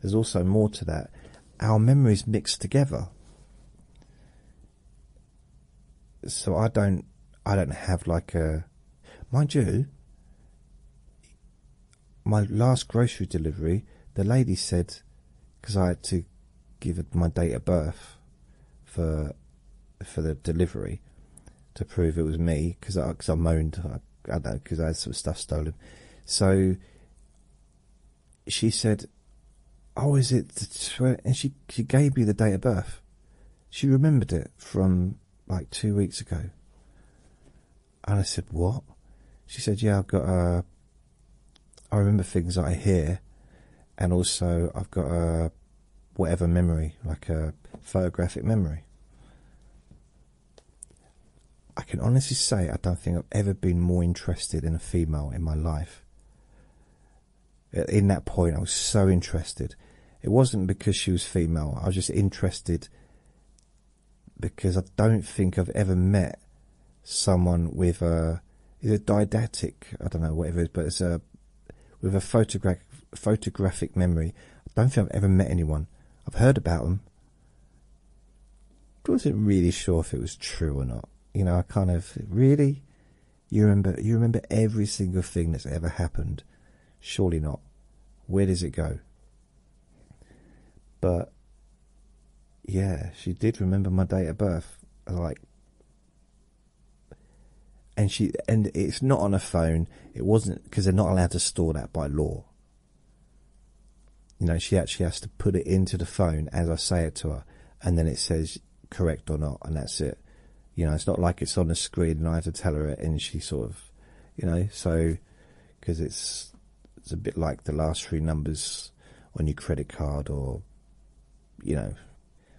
There's also more to that. Our memories mix together. So I don't I don't have like a mind you my last grocery delivery the lady said because I had to give my date of birth for for the delivery to prove it was me because I, moaned I, know because I had some stuff stolen so she said oh is it the and she, she gave me the date of birth she remembered it from like two weeks ago and I said what she said yeah I've got a I remember things I hear, and also I've got a whatever memory, like a photographic memory. I can honestly say I don't think I've ever been more interested in a female in my life. In that point, I was so interested. It wasn't because she was female, I was just interested because I don't think I've ever met someone with a is a didactic I don't know whatever it is, but it's a with a photographic photographic memory. I don't think I've ever met anyone. I've heard about them. I wasn't really sure if it was true or not. You know, I kind of really you remember you remember every single thing that's ever happened. Surely not. Where does it go? But yeah, she did remember my date of birth. Like and she and it's not on a phone it wasn't because they're not allowed to store that by law you know she actually has to put it into the phone as i say it to her and then it says correct or not and that's it you know it's not like it's on the screen and i have to tell her and she sort of you know so because it's it's a bit like the last three numbers on your credit card or you know,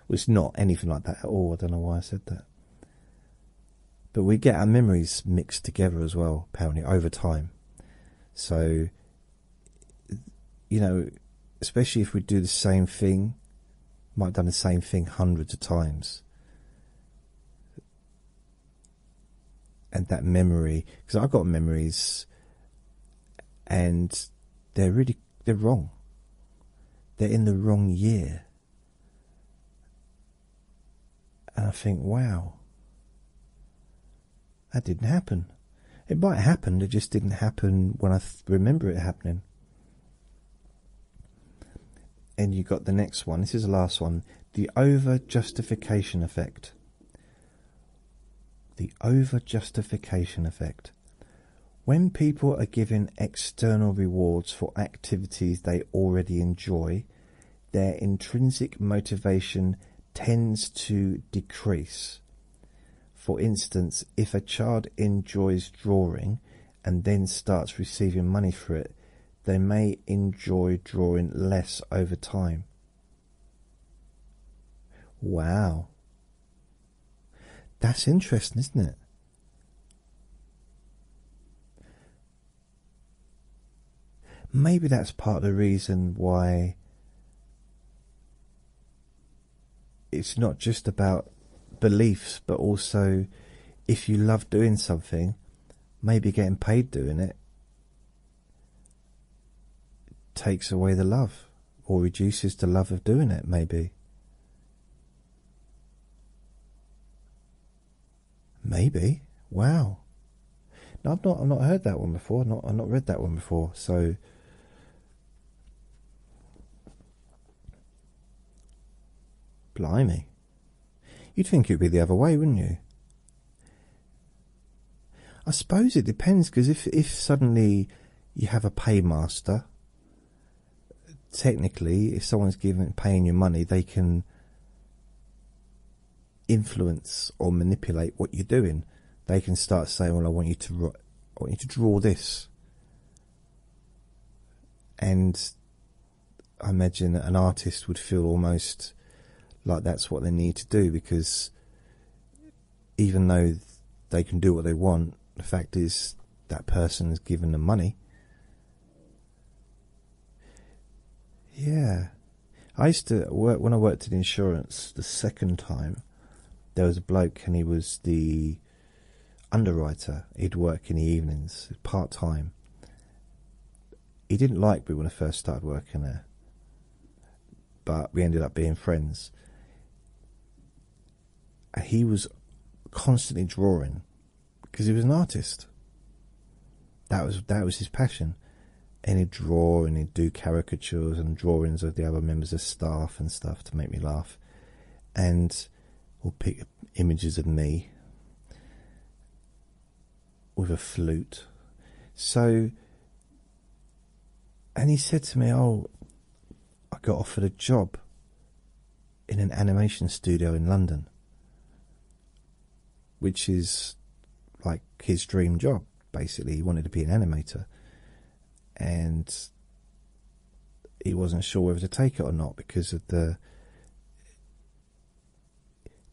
it's not anything like that at all. I don't know why I said that. But we get our memories mixed together as well, apparently, over time. So, you know, especially if we do the same thing, might have done the same thing hundreds of times. And that memory, because I've got memories and they're really they're wrong. They're in the wrong year. And I think, wow, that didn't happen. It might have happened, it just didn't happen when I remember it happening. And you got the next one. This is the last one. The over justification effect. The over justification effect. When people are given external rewards for activities they already enjoy, their intrinsic motivation tends to decrease. For instance, if a child enjoys drawing and then starts receiving money for it, they may enjoy drawing less over time. Wow. That's interesting, isn't it? Maybe that's part of the reason why it's not just about beliefs, but also if you love doing something, maybe getting paid doing it takes away the love or reduces the love of doing it, maybe. Maybe. Wow. No, I've not I've not heard that one before. not I've not read that one before. So Blimey. You'd think it'd be the other way, wouldn't you? I suppose it depends because if if suddenly you have a paymaster. Technically, if someone's giving paying you money, they can influence or manipulate what you're doing. They can start saying, "Well, I want you to, I want you to draw this," and I imagine an artist would feel almost like that's what they need to do because even though they can do what they want, the fact is that person has given them money. Yeah. I used to work when I worked in insurance the second time there was a bloke and he was the underwriter. He'd work in the evenings, part time. He didn't like me when I first started working there. But we ended up being friends he was constantly drawing because he was an artist. That was that was his passion, and he'd draw and he'd do caricatures and drawings of the other members of staff and stuff to make me laugh, and or pick images of me with a flute. So and he said to me, Oh, I got offered a job in an animation studio in London, which is like his dream job, basically. He wanted to be an animator. And he wasn't sure whether to take it or not because of the.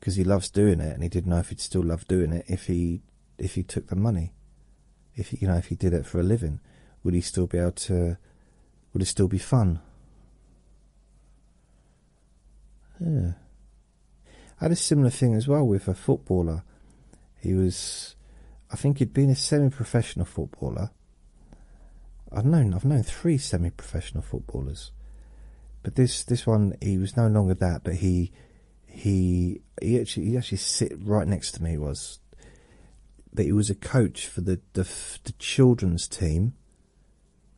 Because he loves doing it, and he didn't know if he'd still love doing it if he if he took the money if you know if he did it for a living, would he still be able to? Would it still be fun? I had a similar thing as well with a footballer. He was, I think he'd been a semi-professional footballer. I've known, I've known three semi-professional footballers, but this this one he was no longer that. But he he he actually he actually sit right next to me was but he was a coach for the, the children's team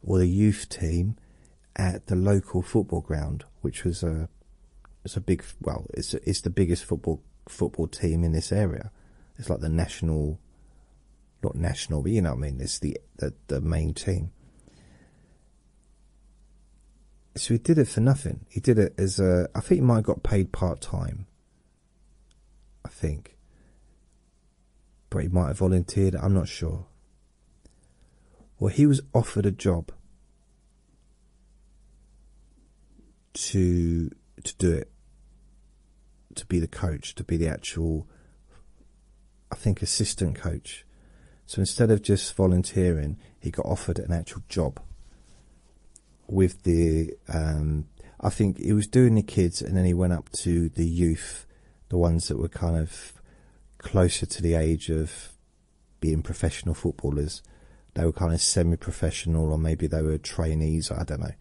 or the youth team at the local football ground, which was a it's a big well it's it's the biggest football football team in this area. It's like the national, not national, but you know what I mean. It's the the, main team. So he did it for nothing. He did it as a. I think he might have got paid part time. I think. But he might have volunteered, I'm not sure. Well, he was offered a job to to do it, to be the coach, to be the actual, I think, assistant coach. So instead of just volunteering, he got offered an actual job with the um, I think he was doing the kids and then he went up to the youth, the ones that were kind of closer to the age of being professional footballers. They were kind of semi professional or maybe they were trainees, I don't know.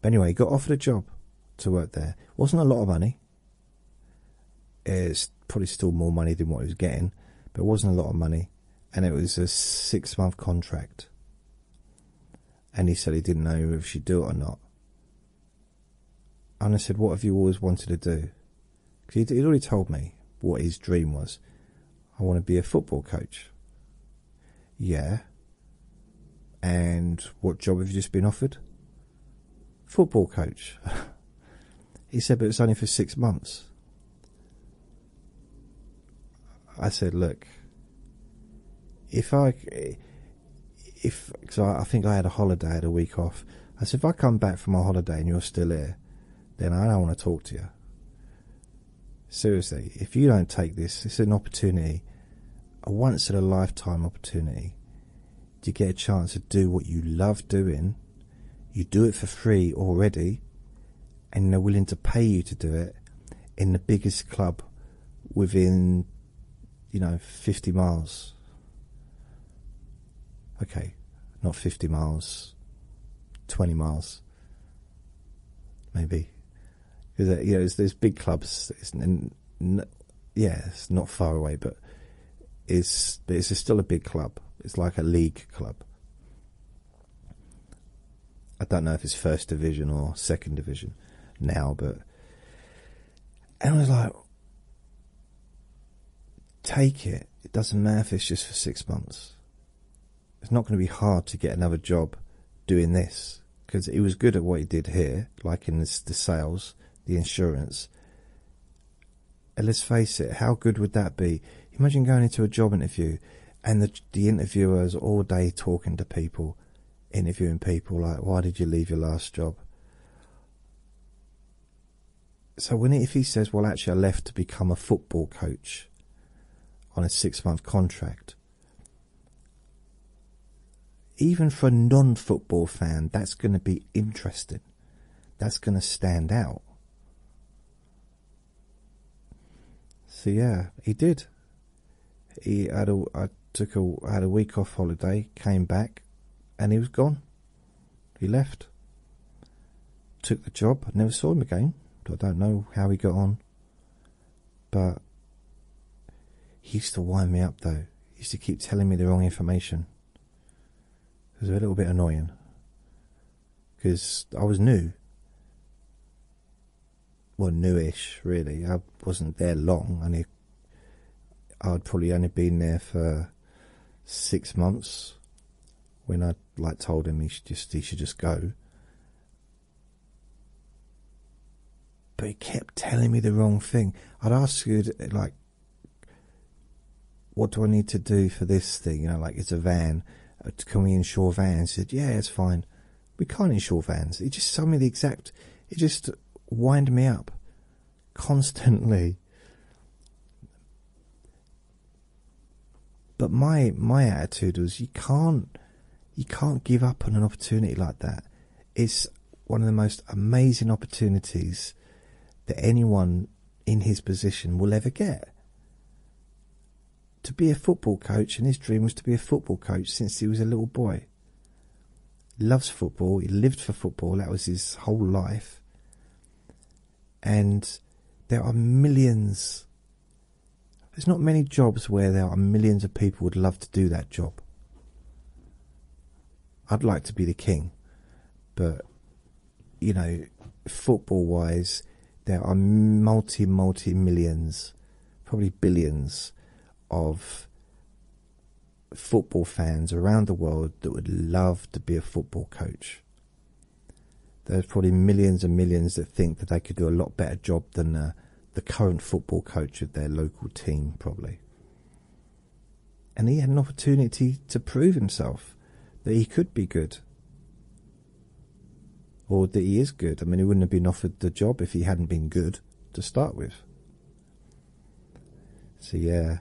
But anyway, he got offered a job to work there. Wasn't a lot of money. It's probably still more money than what he was getting, but it wasn't a lot of money. And it was a six month contract. And he said he didn't know if she'd do it or not. Anna said, What have you always wanted to do? Because he'd already told me what his dream was. I want to be a football coach. Yeah. And what job have you just been offered? Football coach. he said, But it's only for six months. I said, look, if I, if, because I, think I had a holiday, I had a week off. I said, if I come back from my holiday and you're still here, then I don't want to talk to you. Seriously, if you don't take this, it's an opportunity, a once in a lifetime opportunity to get a chance to do what you love doing. You do it for free already, and they're willing to pay you to do it in the biggest club within, you know, 50 miles. Okay, not 50 miles, 20 miles, maybe. Because, uh, you know, there's, big clubs, it's, yeah, it's not far away, but it's, but it's still a big club. It's like a league club. I don't know if it's first division or second division now, but and I was like, take it. It doesn't matter if it's just for six months. It's not going to be hard to get another job doing this because he was good at what he did here, like in the sales, the insurance. And let's face it, how good would that be? Imagine going into a job interview and the the interviewers all day talking to people, interviewing people like, why did you leave your last job? So when if he says, well, actually, I left to become a football coach on a six-month contract. Even for a non-football fan, that's going to be interesting. That's going to stand out. So yeah, he did. He had a I took a I had a week off holiday, came back, and he was gone. He left. Took the job. never saw him again. I don't know how he got on. But he used to wind me up though. He used to keep telling me the wrong information. It was a little bit annoying because I was new well newish really. I wasn't there long, and I'd probably only been there for six months when I like told him he should just he should just go. But he kept telling me the wrong thing. I'd ask you like, "What do I need to do for this thing?" You know, like it's a van. Uh, can we insure vans? He said, "Yeah, it's fine." we can't insure vans. It just told me the exact. It just winded me up constantly. But my my attitude was you can't you can't give up on an opportunity like that. It's one of the most amazing opportunities that anyone in his position will ever get to be a football coach, and his dream was to be a football coach since he was a little boy. Loves football, he lived for football, that was his whole life. And there are millions, there's not many jobs where there are millions of people would love to do that job. I'd like to be the king, but you know, football wise, there are multi, multi millions, probably billions of football fans around the world that would love to be a football coach. There's probably millions and millions that think that they could do a lot better job than uh, the current football coach of their local team, probably. And he had an opportunity to prove himself that he could be good or that he is good. I mean, he wouldn't have been offered the job if he hadn't been good to start with. See, yeah.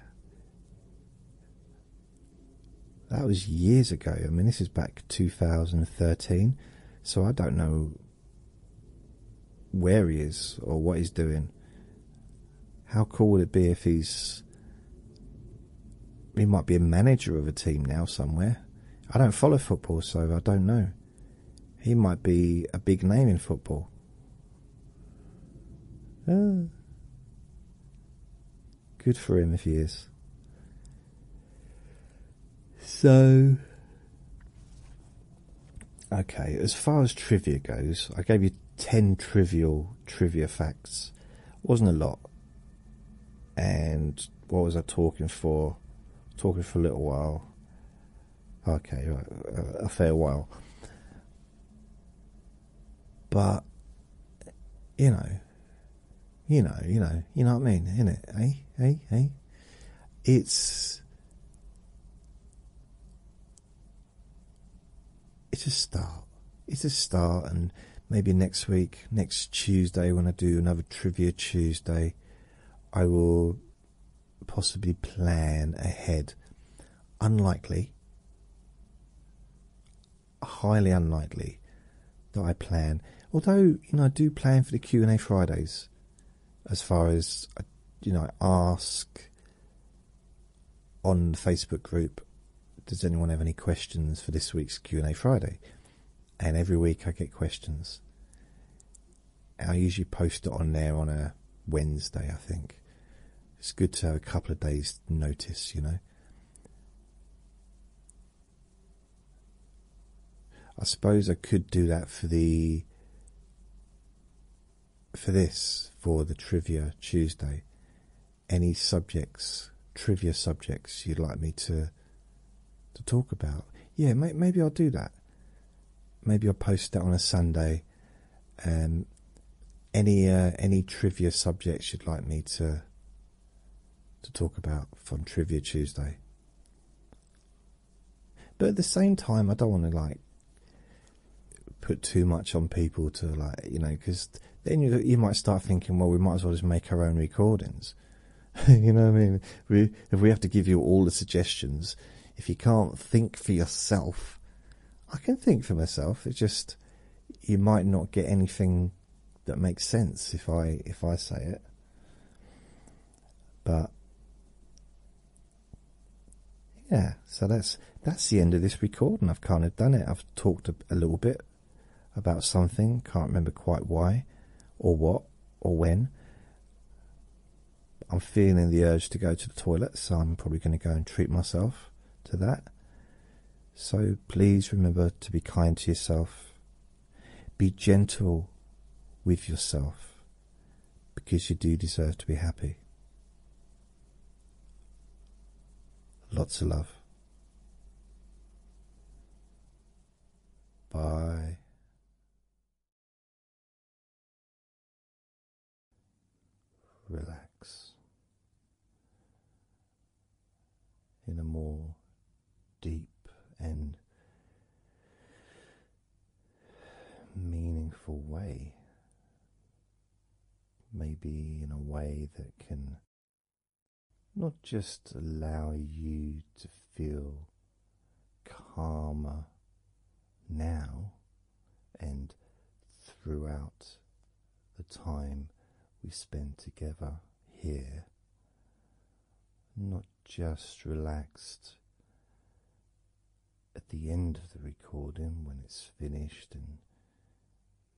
That was years ago. I mean, this is back 2013, so I don't know where he is or what he's doing. How cool would it be if he's. He might be a manager of a team now somewhere. I don't follow football, so I don't know. He might be a big name in football. Uh, good for him if he is. So, okay, as far as trivia goes, I gave you 10 trivial trivia facts. Wasn't a lot and what was I talking for? Talking for a little while. Okay, right, a fair while. But you know, you know, you know, you know what I mean, innit? Eh, eh, eh. It's it's a start. It's a start, and maybe next week, next Tuesday, when I do another Trivia Tuesday, I will possibly plan ahead. Unlikely, highly unlikely that I plan. Although you know, I do plan for the Q and A Fridays, as far as uh, you know, I ask on the Facebook group, does anyone have any questions for this week's Q and A Friday? and every week I get questions. I usually post it on there on a Wednesday, I think. It's good to have a couple of days' notice, you know. I suppose I could do that for the for this for the trivia Tuesday. Any subjects, trivia subjects you'd like me to to talk about. Yeah, maybe I'll do that. Maybe I'll post that on a Sunday. Um, any uh, any trivia subjects you'd like me to to talk about from Trivia Tuesday. But at the same time, I don't want to like put too much on people to like you know because then you you might start thinking well we might as well just make our own recordings you know what I mean? if we have to give you all the suggestions, if you can't think for yourself, I can think for myself. It's just you might not get anything that makes sense if I if I say it. But yeah, so that's that's the end of this recording. I've kind of done it. I've talked a little bit about something. Can't remember quite why, or what, or when. I'm feeling the urge to go to the toilet, so I'm probably going to go and treat myself to that. So please remember to be kind to yourself. Be gentle with yourself because you do deserve to be happy. Lots of love. Bye relax in a more deep and meaningful way, maybe in a way that can not just allow you to feel calmer now and throughout the time we spend together here. Not just relaxed at the end of the recording when it's finished and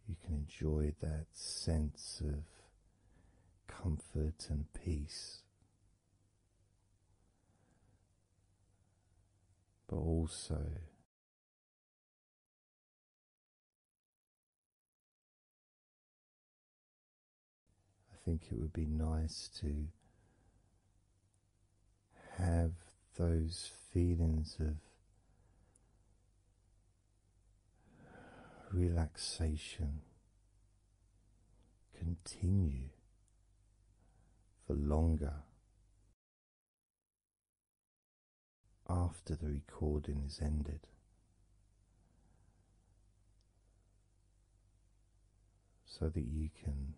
you can enjoy that sense of comfort and peace but also. I think it would be nice to have those feelings of relaxation continue for longer. After the recording is ended, so that you can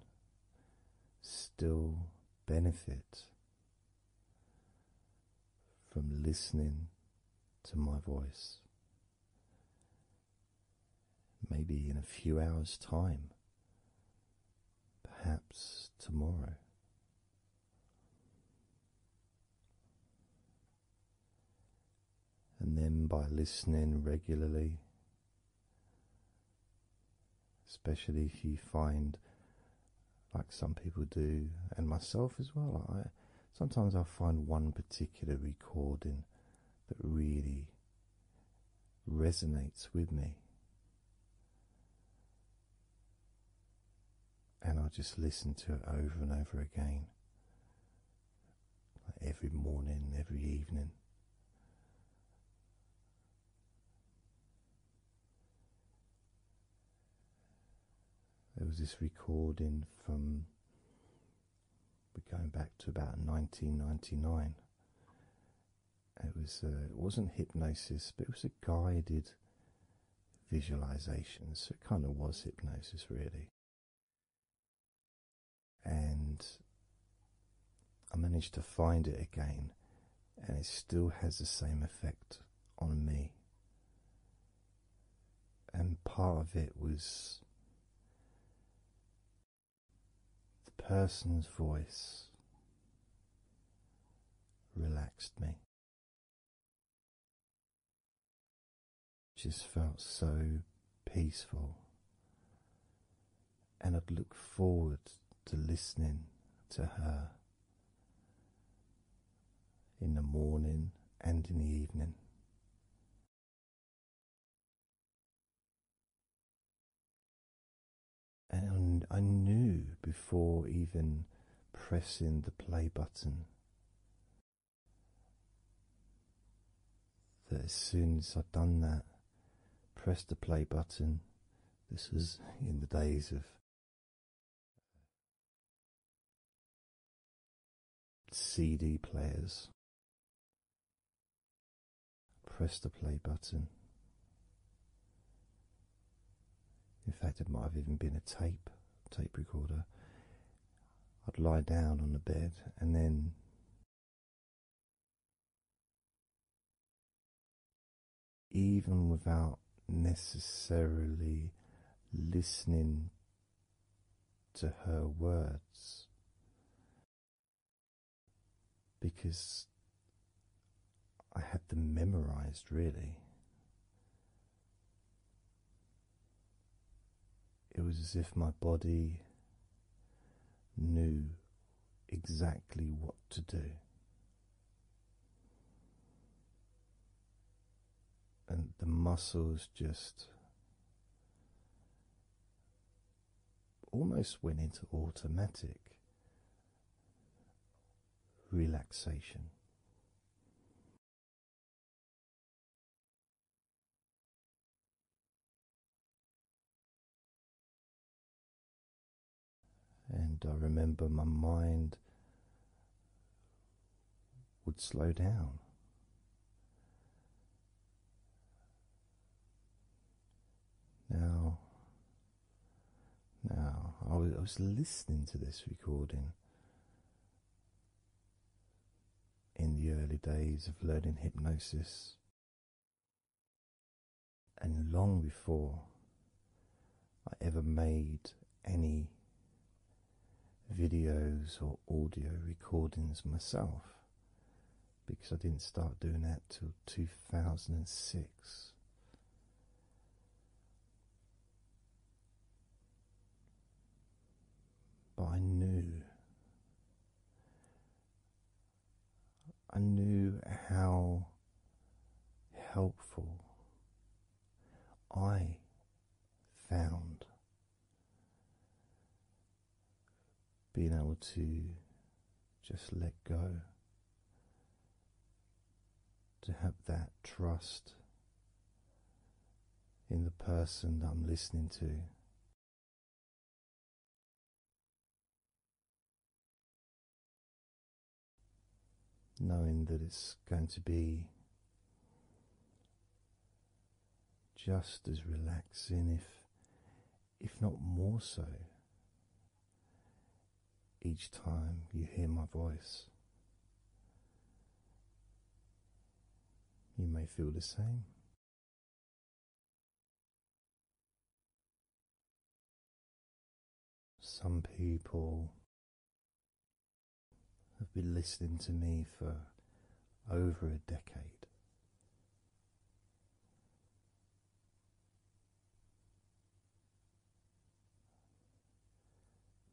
still benefit from listening to my voice maybe in a few hours' time, perhaps tomorrow. And then by listening regularly, especially if you find, like some people do, and myself as well, I sometimes I find one particular recording that really resonates with me. And I'll just listen to it over and over again. every morning, every evening. There was this recording from we're going back to about 1999. It was uh, it wasn't hypnosis, but it was a guided visualization, so it kind of was hypnosis really. And I managed to find it again, and it still has the same effect on me. And part of it was the person's voice relaxed me. Just felt so peaceful, and I'd look forward to listening to her in the morning and in the evening. And I knew before even pressing the play button that as soon as I'd done that, press the play button, this was in the days of CD players. Press the play button. In fact, it might have even been a tape, tape recorder. I'd lie down on the bed and then even without necessarily listening to her words, because I had them memorized really. It was as if my body knew exactly what to do. And the muscles just almost went into automatic relaxation. And I remember my mind would slow down now, now I was, I was listening to this recording in the early days of learning hypnosis, and long before I ever made any videos or audio recordings myself because I didn't start doing that till 2006. But I knew, I knew how helpful I found being able to just let go, to have that trust in the person I'm listening to. Knowing that it's going to be just as relaxing, if if not more so, each time you hear my voice. You may feel the same. Some people have been listening to me for over a decade.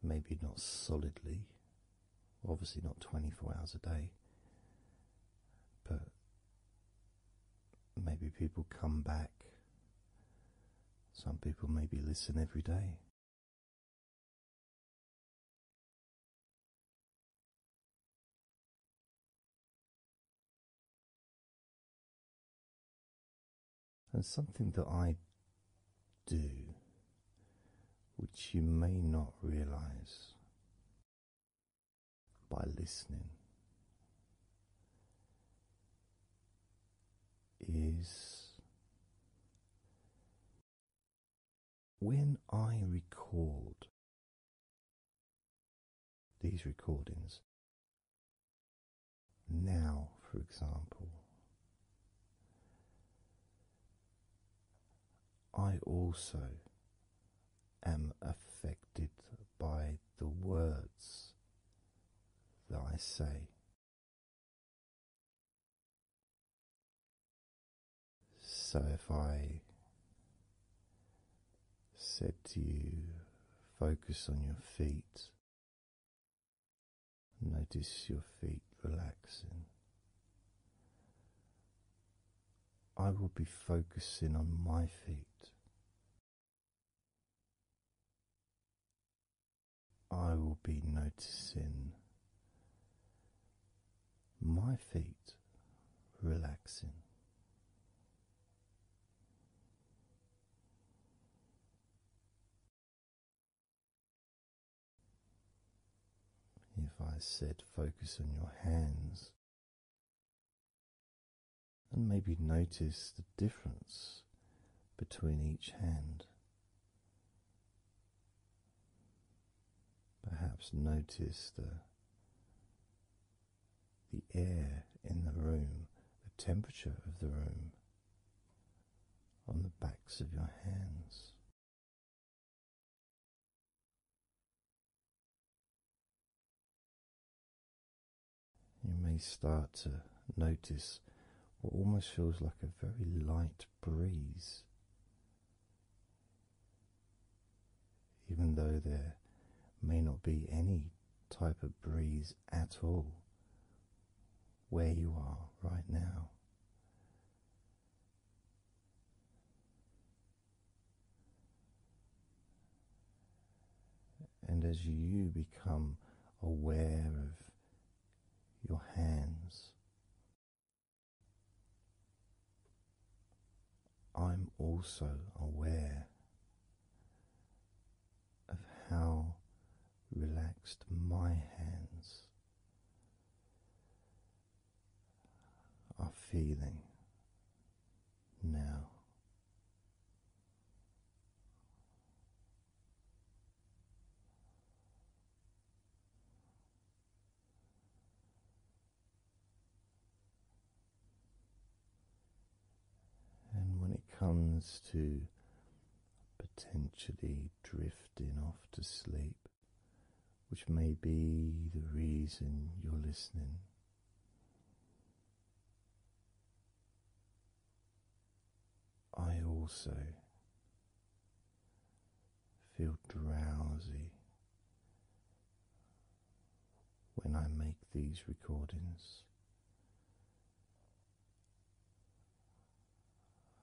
Maybe not solidly, obviously not 24 hours a day, but maybe people come back. Some people maybe listen every day. And something that I do, which you may not realize by listening, is when I record these recordings. Now, for example, I also am affected by the words that I say. So if I said to you, focus on your feet, notice your feet relaxing. I will be focusing on my feet. I will be noticing my feet relaxing. If I said focus on your hands and maybe notice the difference between each hand, perhaps notice the the air in the room, the temperature of the room on the backs of your hands. You may start to notice what almost feels like a very light breeze even though there may not be any type of breeze at all where you are right now. And as you become aware of your hands, I'm also aware of how relaxed my hands are feeling now. And when it comes to potentially drifting off to sleep, which may be the reason you're listening. I also feel drowsy when I make these recordings.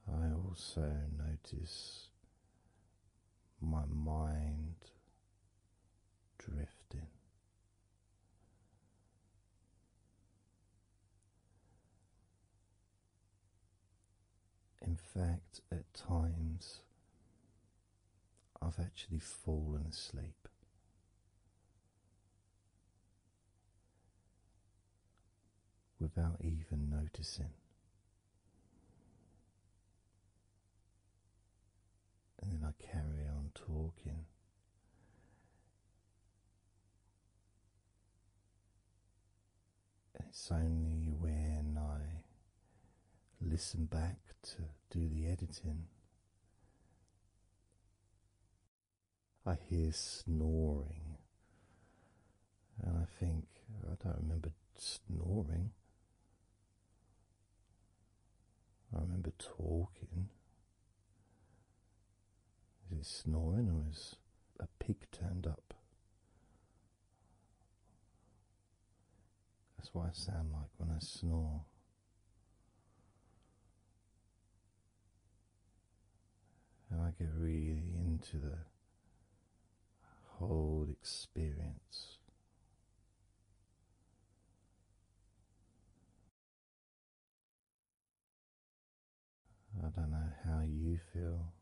I also notice my mind drifting. In fact, at times I've actually fallen asleep. Without even noticing, and then I carry on talking, and it's only when I listen back to do the editing. I hear snoring, and I think I don't remember snoring. I remember talking. Is it snoring or is a pig turned up? That's what I sound like when I snore. And I get really into the whole experience. I don't know how you feel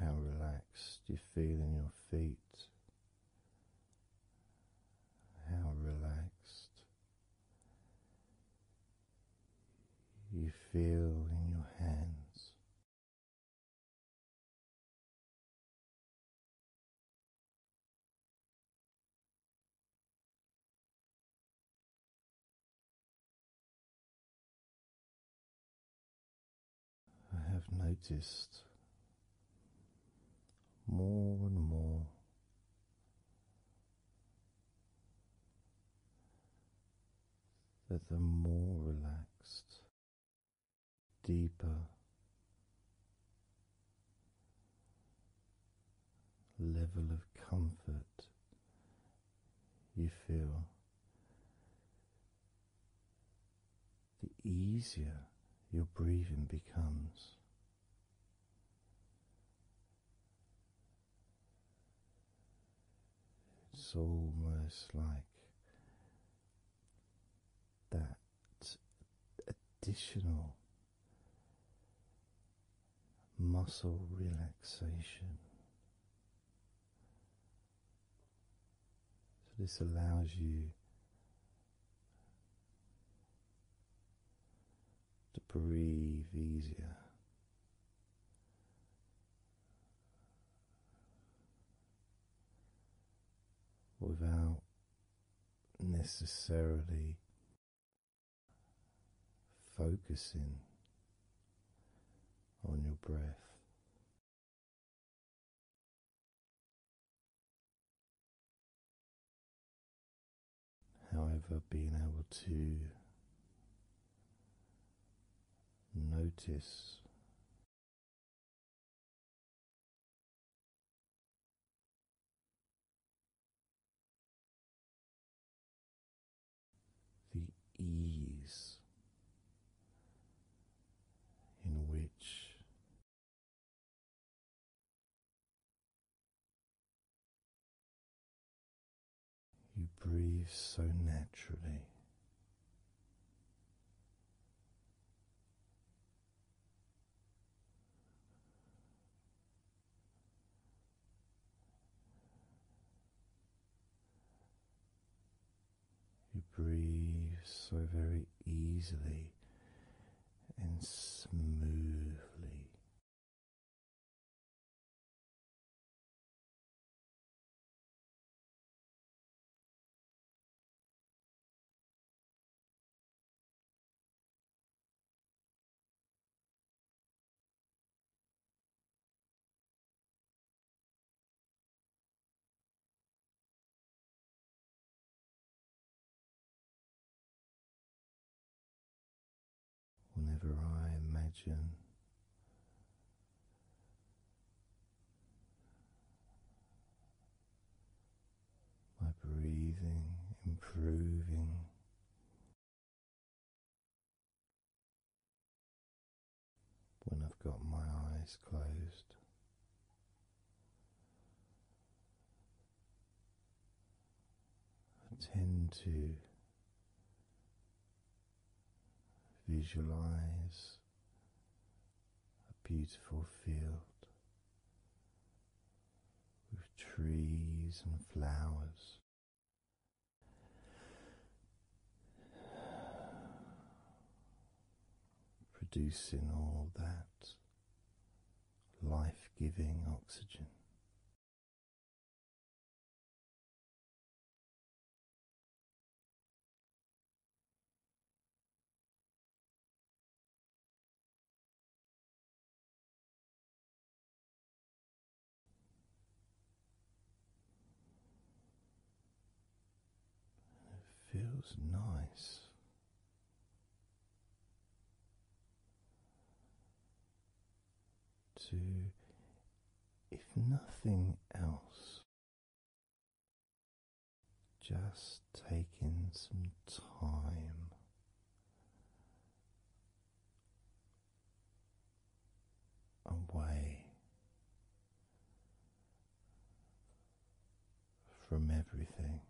how relaxed you feel in your feet, how relaxed you feel in your hands. I have noticed more and more that the more relaxed, deeper, level of comfort you feel the easier your breathing becomes. It's almost like that additional muscle relaxation so, this allows you to breathe easier. Without necessarily focusing on your breath, However, being able to notice the ease in which you breathe so naturally. You breathe so very easily and smoothly. Whenever I imagine my breathing improving, when I've got my eyes closed. I tend to visualize a beautiful field with trees and flowers producing all that life giving oxygen it feels nice. To, if nothing else, just taking some time away from everything.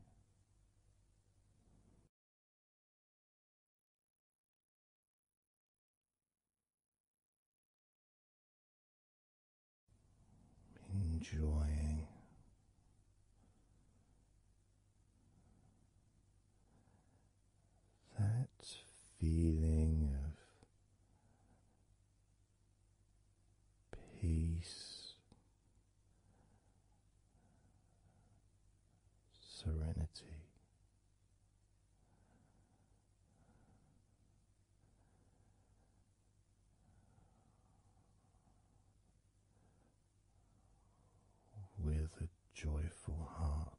Enjoying that feeling of peace, serenity. With a joyful heart,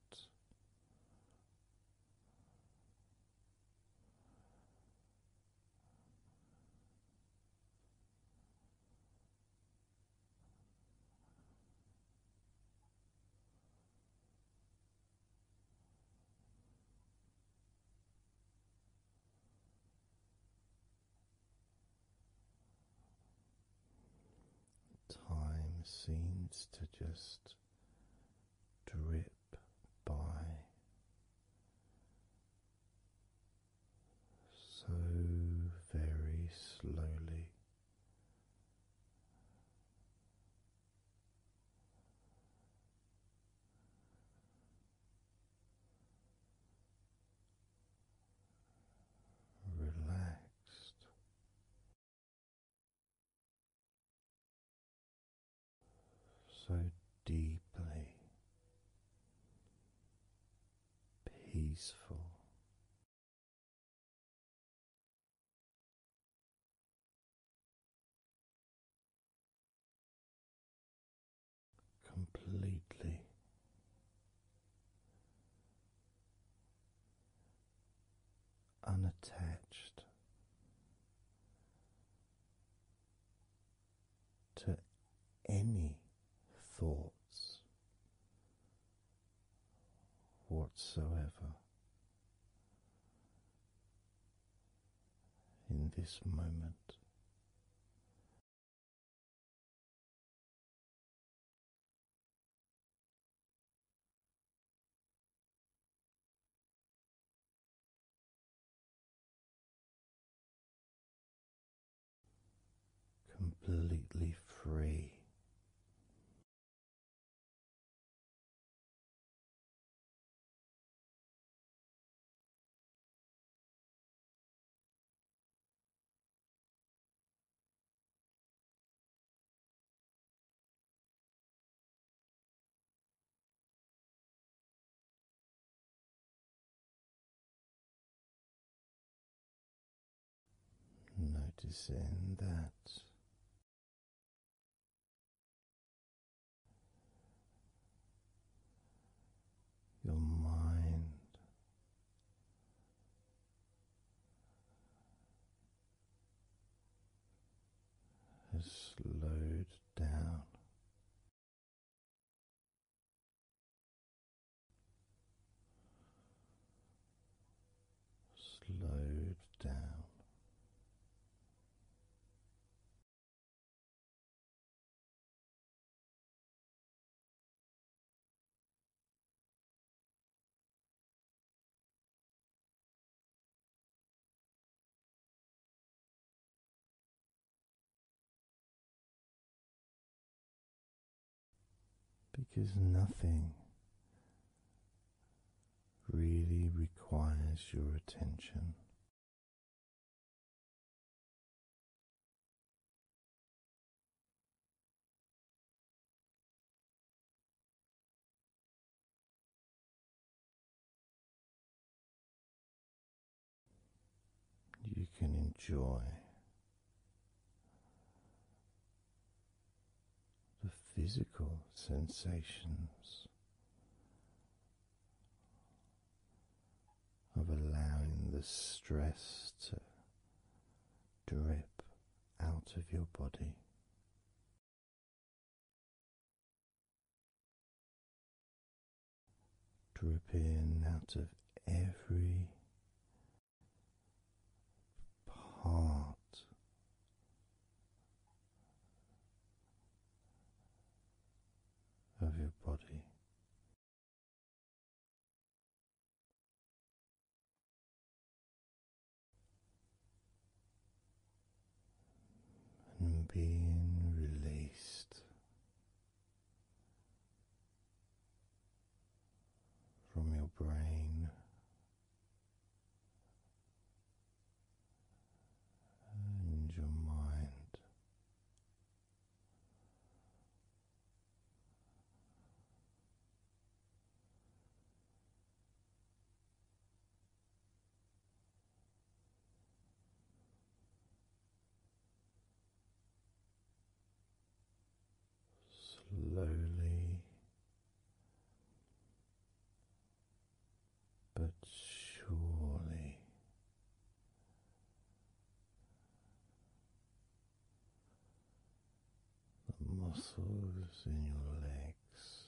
Time seems to just drip by so very slowly. Relaxed, so deeply peaceful. Completely unattached to any thoughts whatsoever in this moment completely free. Noticing that your mind has slowed down. Slowed down. Because nothing really requires your attention. You can enjoy the physical sensations of allowing the stress to drip out of your body dripping out of every part. Of your body, and being released from your brain. And your mind Slowly but surely the muscles in your legs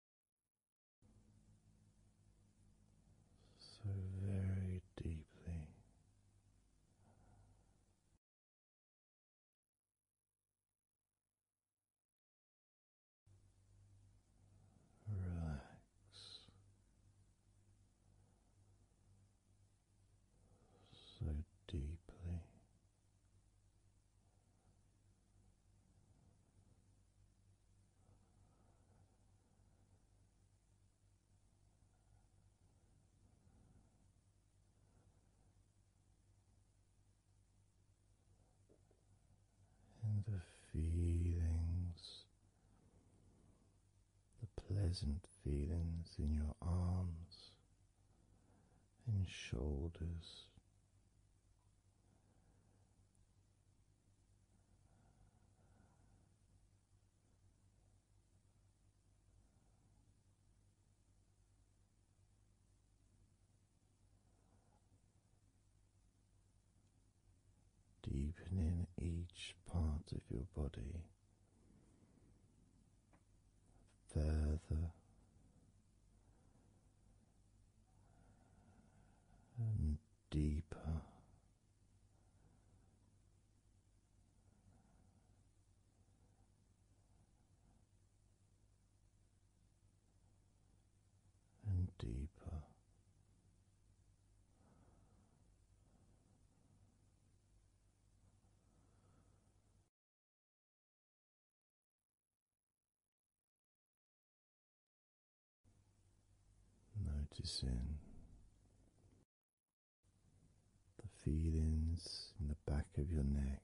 so very deeply. Relax so deeply and the feelings, the pleasant feelings in your arms and shoulders Deepening each part of your body further and deeper. And deeper, Noticing the feelings in the back of your neck.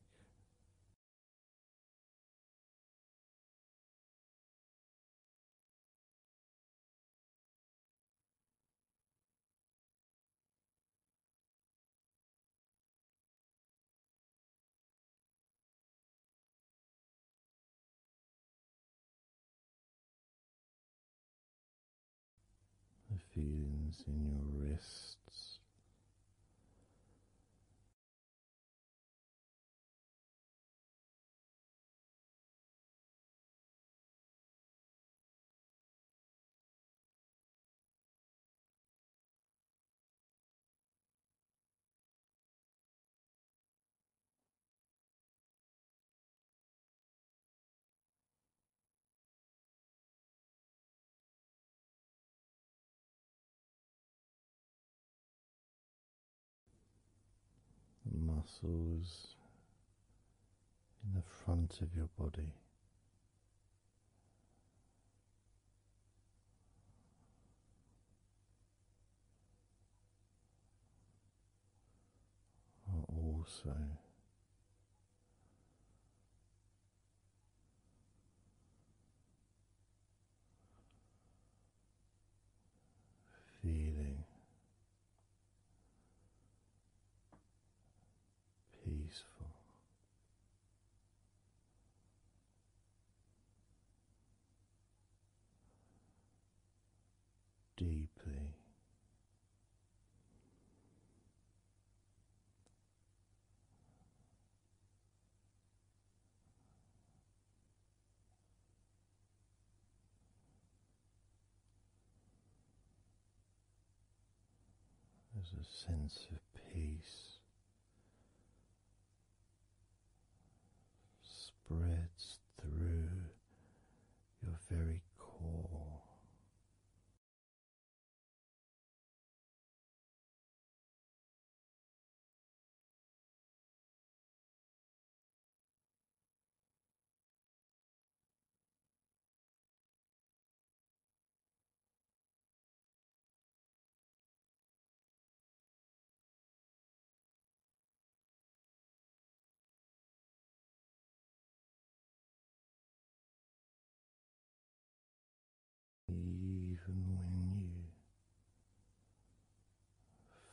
The feelings in your wrists muscles in the front of your body are also feeling peaceful deeply. There's a sense of peace spreads through your very core. Even when you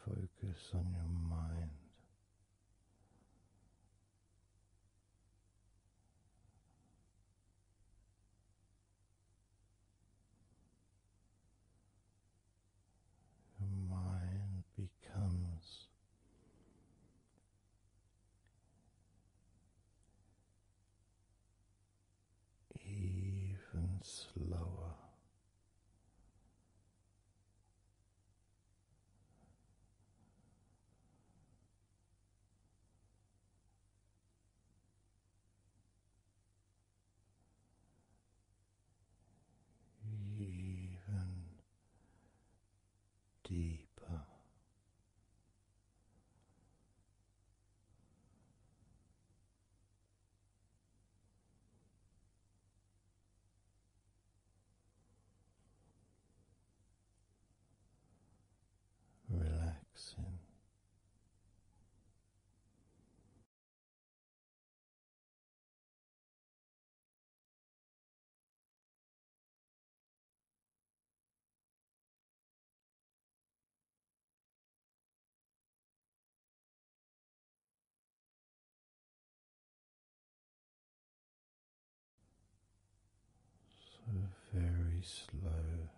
focus on your mind, your mind becomes even slower even deeper. Relaxing so very slow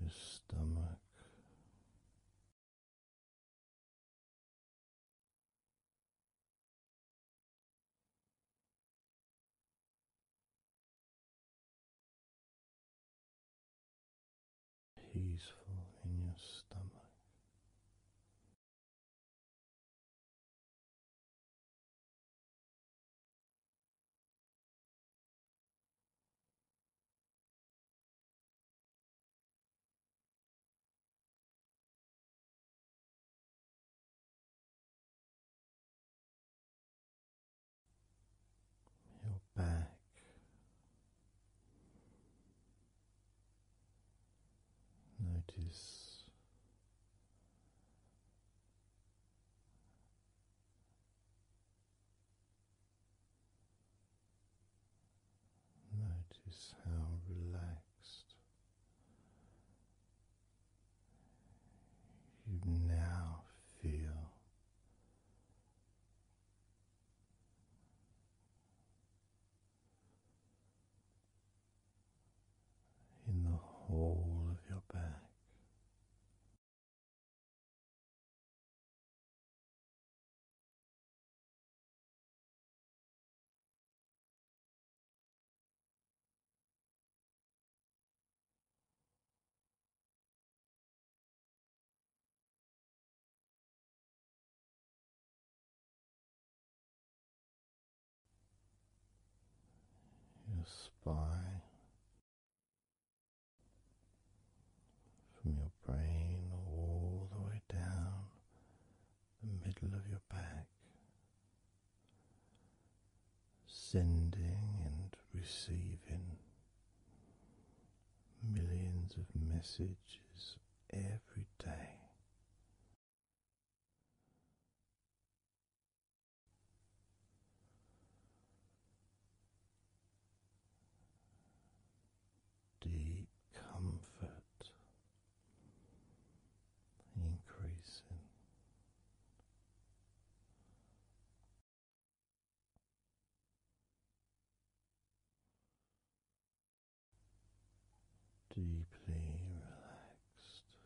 your stomach peaceful in your stomach your back. Notice notice how relaxed you now feel in the whole of your back your spine from your brain all the way down the middle of your back sending and receiving millions of messages every day. Deep comfort increasing deeply relaxed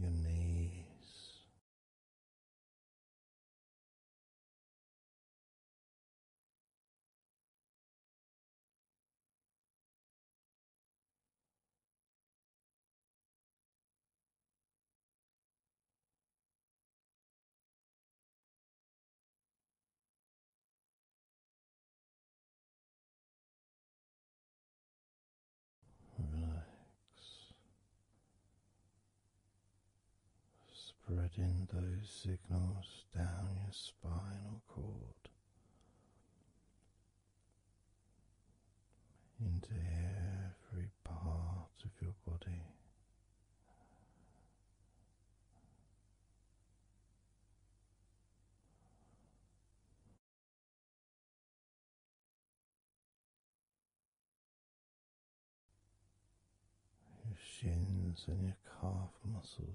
your knees. Relax, spreading those signals down your spinal cord into every part of your body. Your shins and your calf muscles,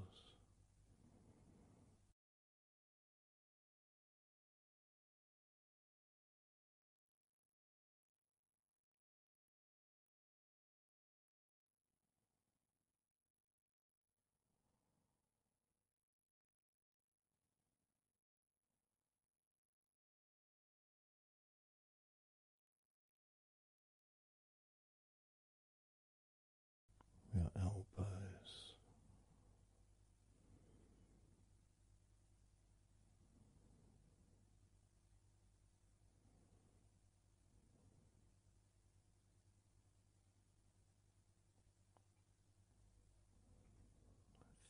your elbows.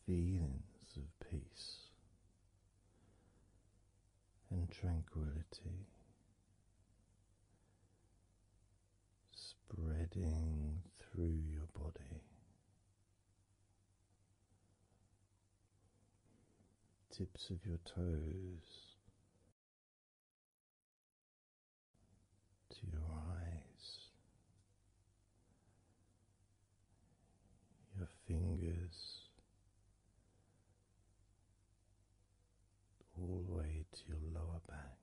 Feelings of peace and tranquility spreading through your body. Tips of your toes to your eyes, your fingers, all the way to your lower back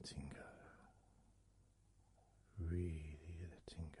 letting go, really letting go.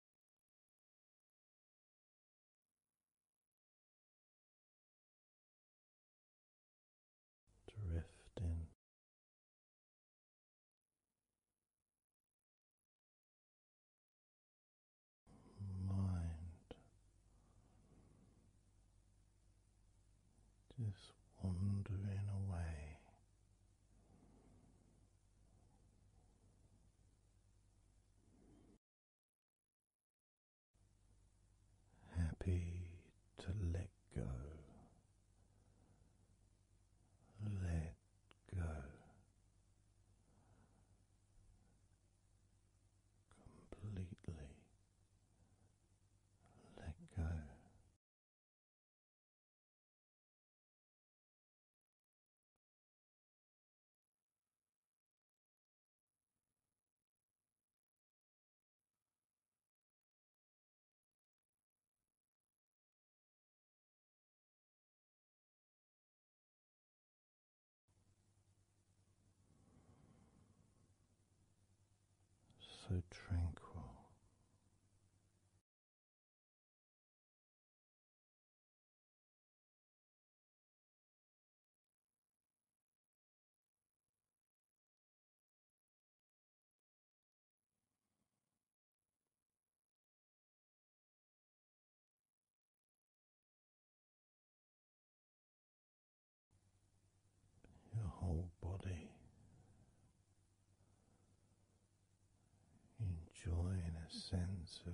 drifting. Mind just wandering away, Happy to let go, let go, completely let go so tranquil. Your whole body enjoying a sense of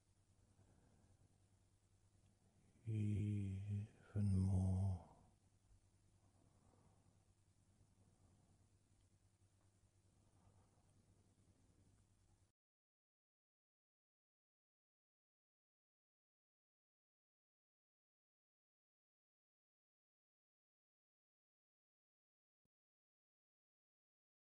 even more.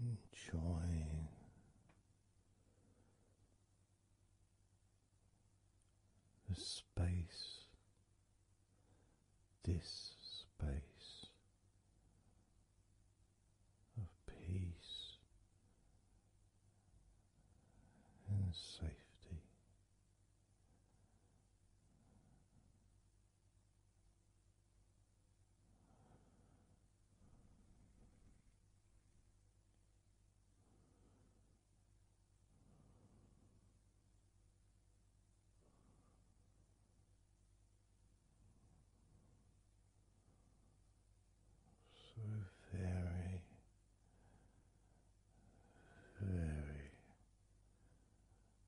Enjoy the space, this space of peace and safety. So very, very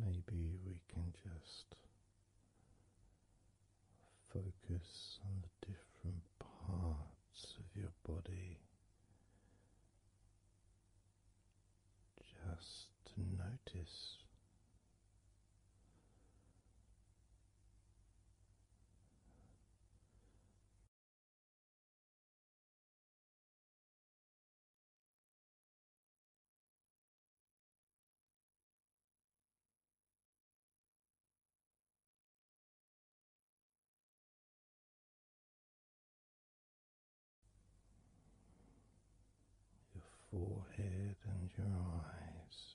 Maybe we can just focus on the different parts of your body just to notice your forehead and your eyes.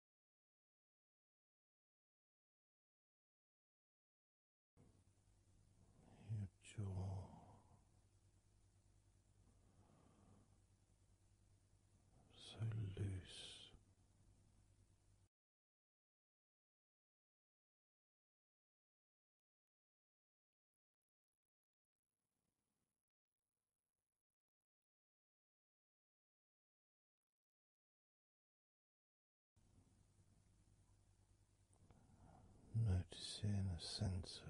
your jaw. So loose, Noticing a sense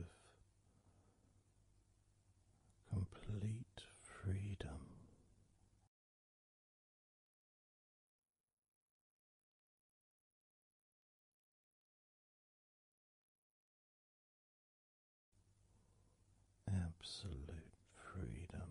of complete freedom. Absolute freedom.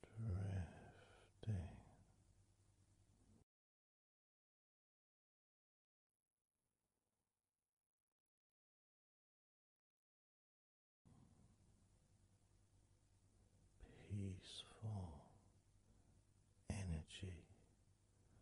drifting. Peaceful energy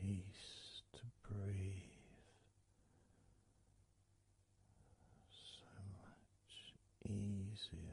Peace to breathe, so much easier.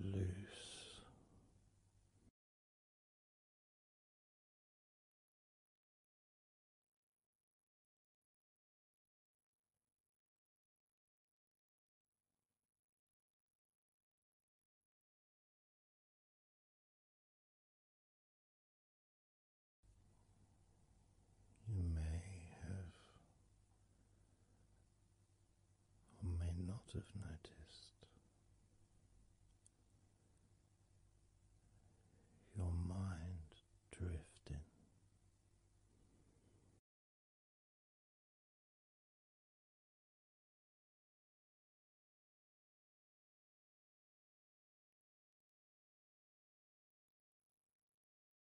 loose. You may have or may not have noticed. Your mind drifting.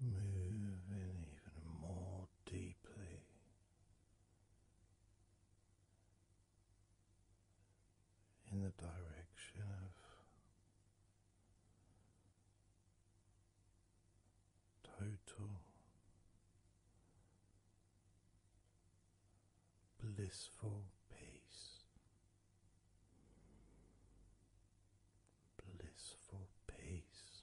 Moving even more deeply in the direction of total blissful peace, blissful peace.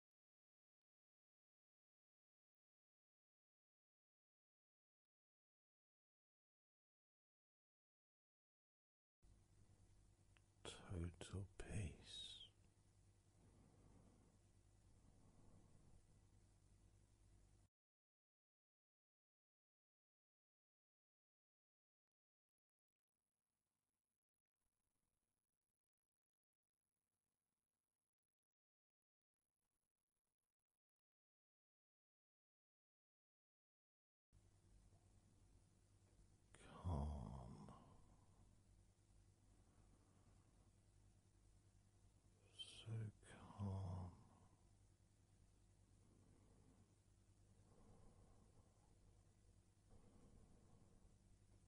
Total peace. Calm, so calm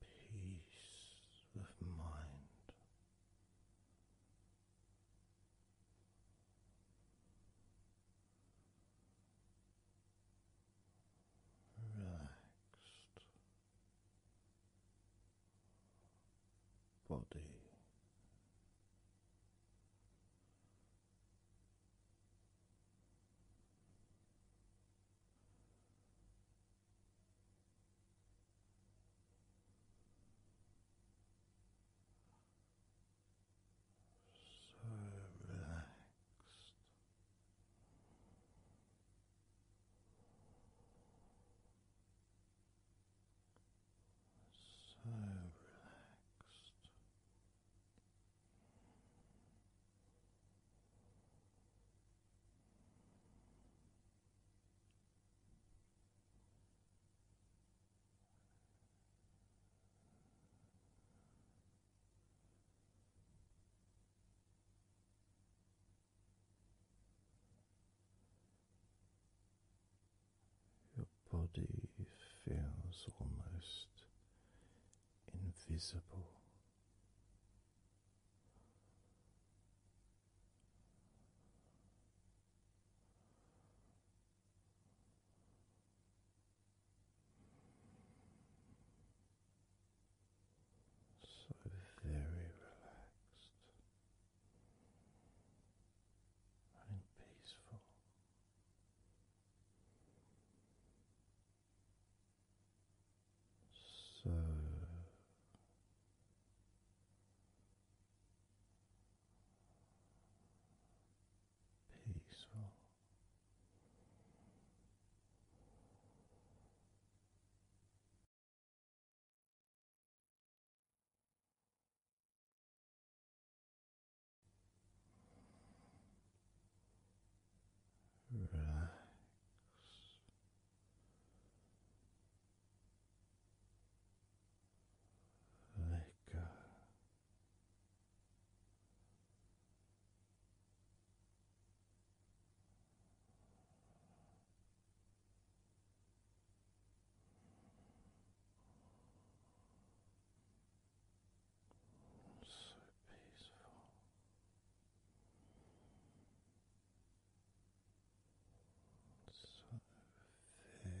peace of mind. Relaxed body, so relaxed. So relaxed. Your body feels almost invisible. So very relaxed and peaceful. So peaceful relax. Let go. So peaceful. So very, very peaceful.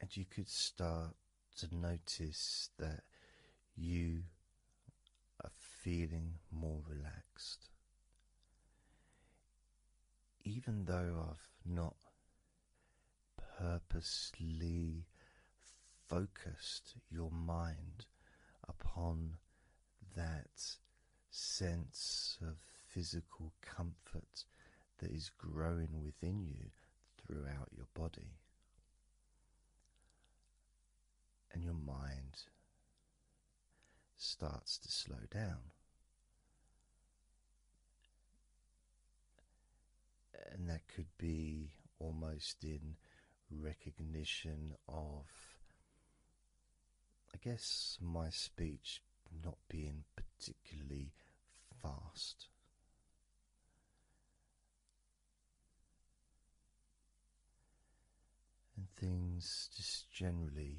And you could start to notice that you are feeling more relaxed even though I've not purposely focused your mind upon that sense of physical comfort that is growing within you throughout your body and your mind starts to slow down. And that could be almost in recognition of, I guess, my speech not being particularly fast. And things just generally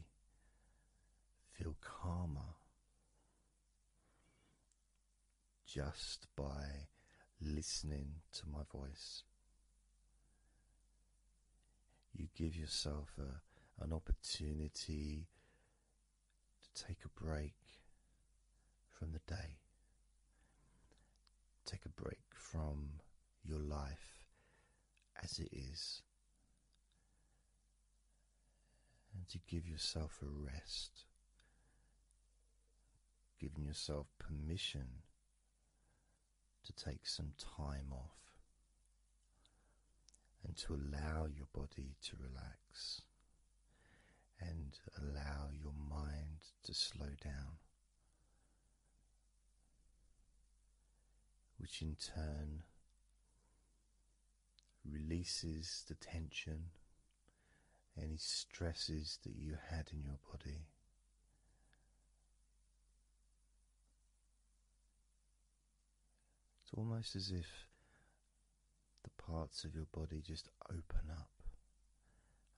feel calmer just by listening to my voice. You give yourself an opportunity to take a break from the day, take a break from your life as it is and to give yourself a rest, giving yourself permission to take some time off and to allow your body to relax and allow your mind to slow down. Which in turn releases the tension, any stresses that you had in your body. It's almost as if the parts of your body just open up,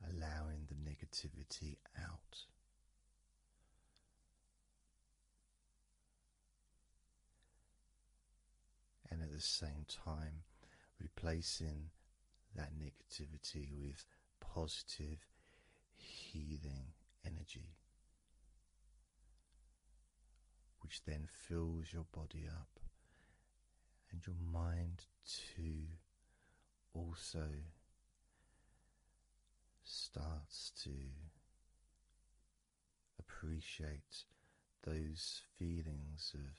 allowing the negativity out and at the same time replacing that negativity with positive healing energy, which then fills your body up and your mind too also starts to appreciate those feelings of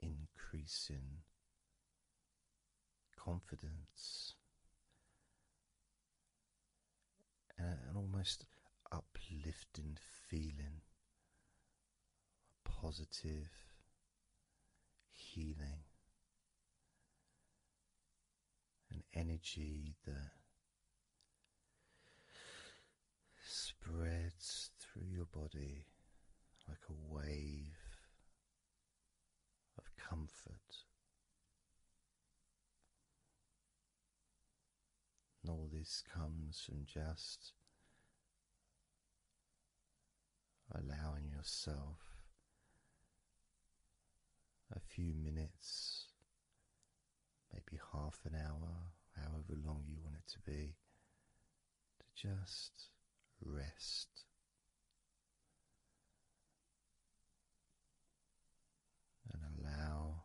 increasing confidence and an almost uplifting feeling, positive healing an energy that spreads through your body like a wave of comfort. And all this comes from just allowing yourself a few minutes maybe half an hour, however long you want it to be, to just rest. And allow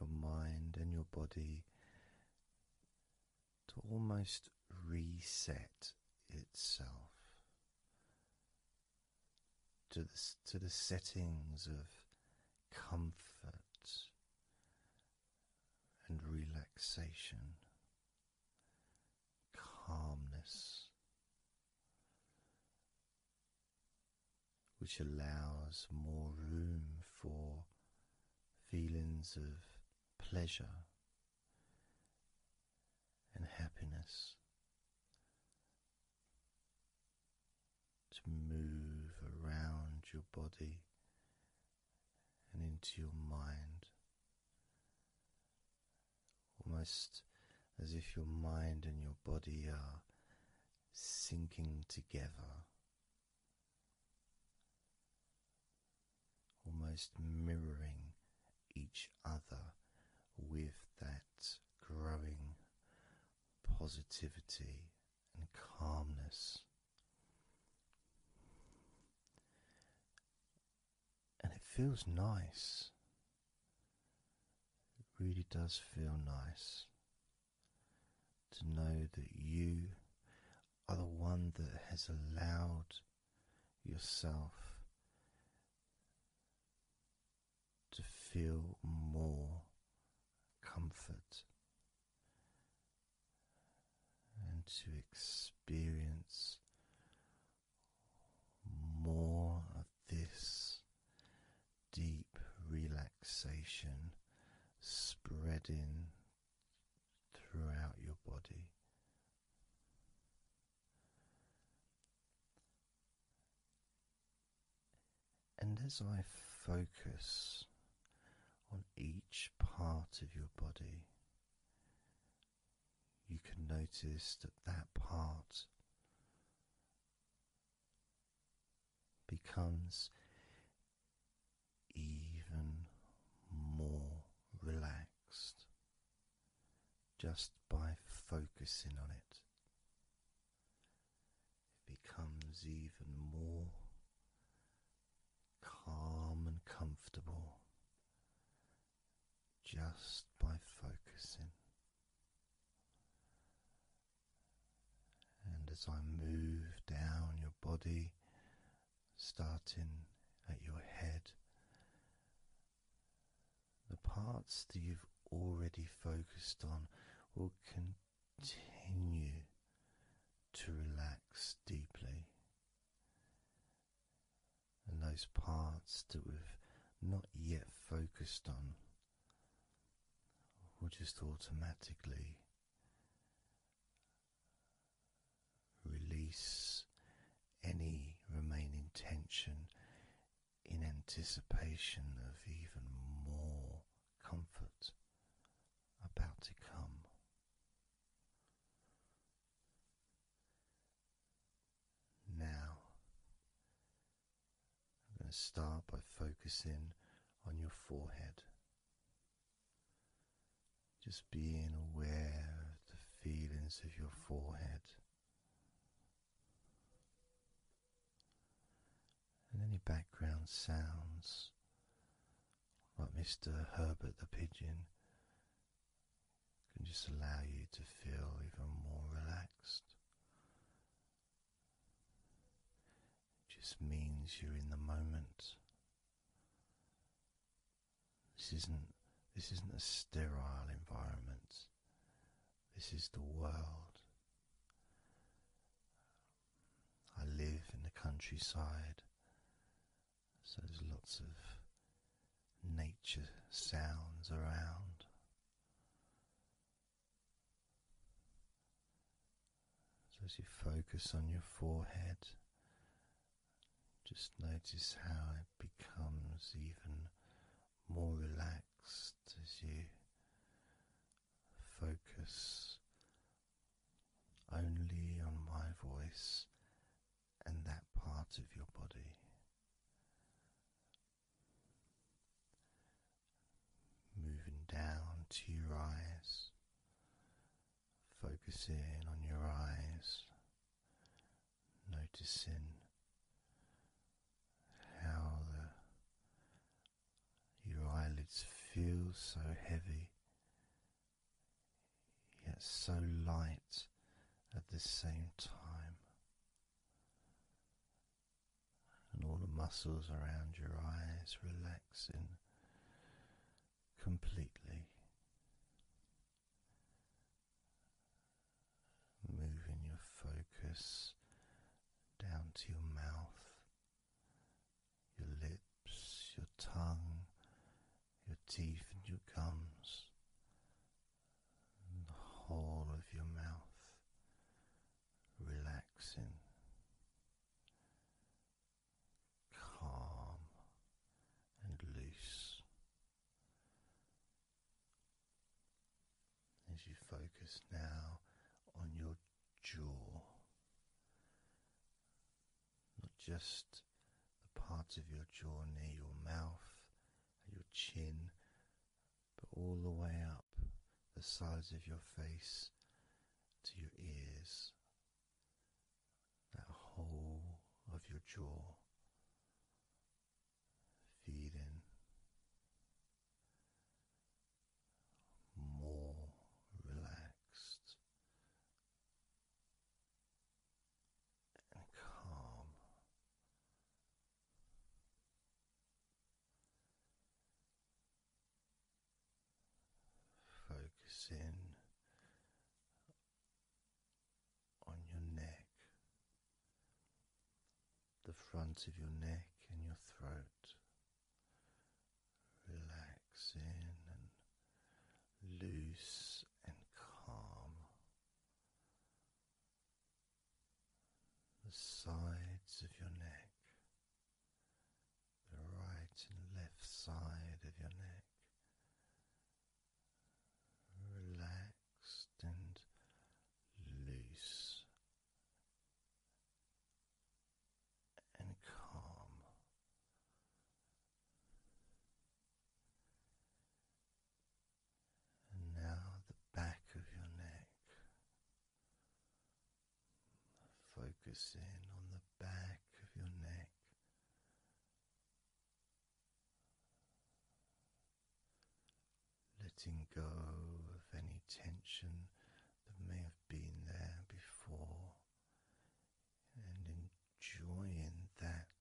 your mind and your body to almost reset itself to the, to the settings of comfort and relaxation, calmness, which allows more room for feelings of pleasure and happiness to move around your body and into your mind, almost as if your mind and your body are sinking together, almost mirroring each other with that growing positivity and calmness. And it feels nice. It really does feel nice to know that you are the one that has allowed yourself to feel more comfort and to experience more of this deep relaxation spreading throughout your body. And as I focus on each part of your body, you can notice that that part becomes even more relaxed just by focusing on it. It becomes even more calm and comfortable just by focusing. And as I move down your body, starting at your head the parts that you've already focused on will continue to relax deeply. And those parts that we've not yet focused on will just automatically release any remaining tension in anticipation of even more comfort about to come. Now, I'm going to start by focusing on your forehead. Just being aware of the feelings of your forehead and any background sounds like Mr. Herbert the Pigeon can just allow you to feel even more relaxed. It just means you're in the moment. This isn't this isn't a sterile environment. This is the world. I live in the countryside, so there's lots of nature sounds around. So, as you focus on your forehead, just notice how it becomes even more relaxed as you focus only on my voice and that part of your body. Moving down to your eyes, focusing on your eyes, noticing how your eyelids feel so heavy yet so light at the same time. And all the muscles around your eyes relaxing completely moving your focus down to your mouth, your lips, your tongue, your teeth, and your gums, the whole of your mouth relaxing. Calm and loose, as you focus now on your jaw, not just the parts of your jaw near your mouth, your chin, but all the way up the sides of your face to your ears, that whole of your jaw, feeding more relaxed and calm. Focus on your neck, the front of your neck and your throat, relaxing and loose and calm. The sides of your neck, the right and left side of your neck, relaxed and loose and calm. And now the back of your neck. Focus in on the back of your neck letting go of any tension that may have been there before and enjoying that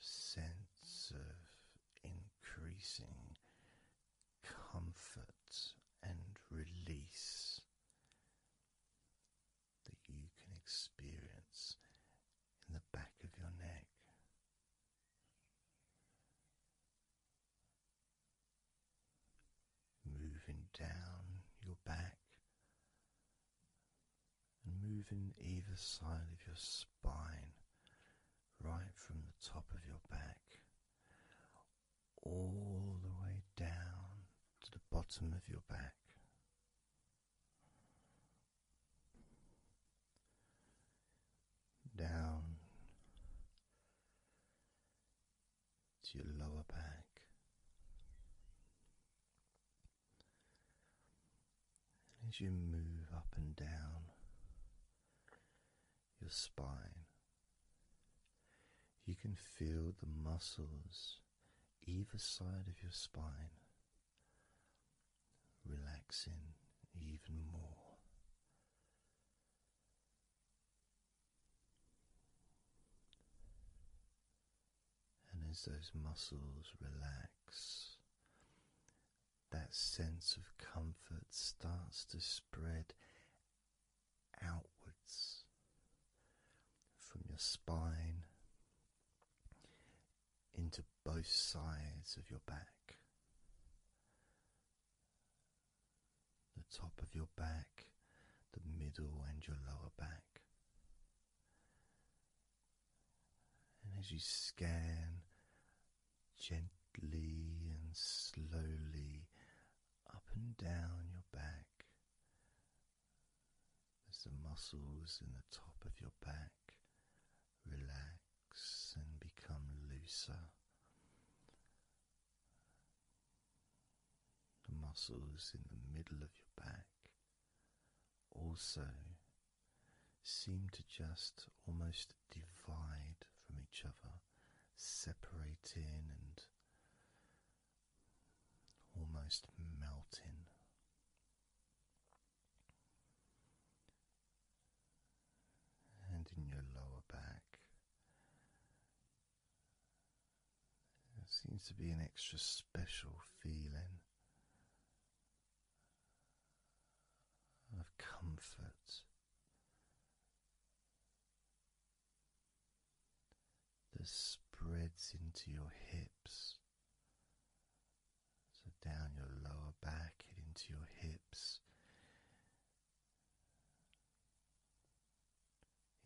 sense of increasing comfort and release that you can experience in the back of your neck. Moving down your back and moving either side of your spine, right from the top of your back, all the way down to the bottom of your back down to your lower back. And as you move up and down your spine, you can feel the muscles either side of your spine relaxing even more and as those muscles relax, that sense of comfort starts to spread outwards from your spine into both sides of your back the top of your back, the middle, and your lower back. And as you scan gently and slowly up and down your back, as the muscles in the top of your back relax and become looser. The muscles in the middle of your back also seem to just almost divide from each other, separating and almost melting and in your lower back. There seems to be an extra special feeling of comfort that spreads into your hips. So down your lower back into your hips,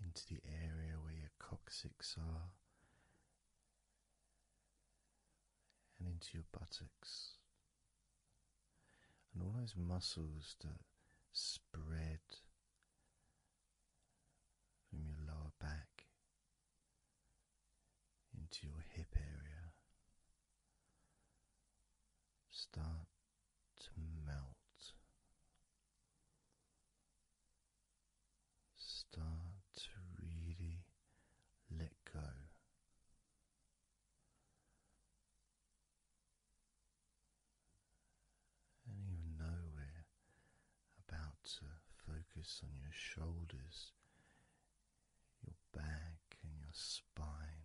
into the area where your coccyx are and into your buttocks and all those muscles that spread from your lower back into your hip area start to melt. Start to really let go. And even though we're about to focus on your shoulders, your back, and your spine,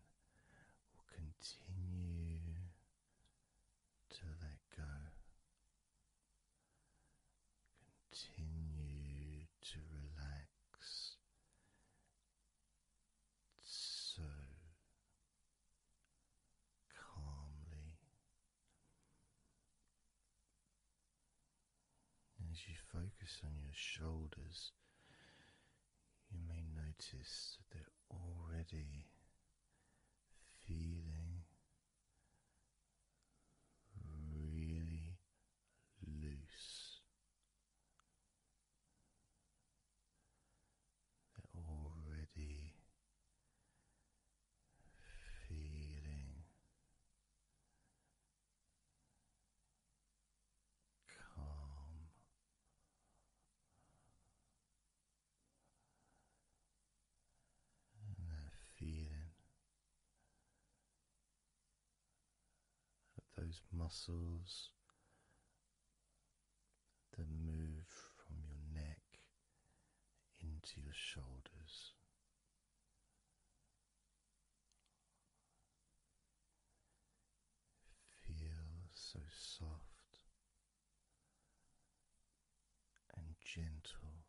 will continue to let go. Continue to relax so calmly as you focus on your shoulders you may notice that they're already feeling really loose. They're already feeling calm that feeling of those muscles that move from your neck into your shoulders. Feel so soft and gentle,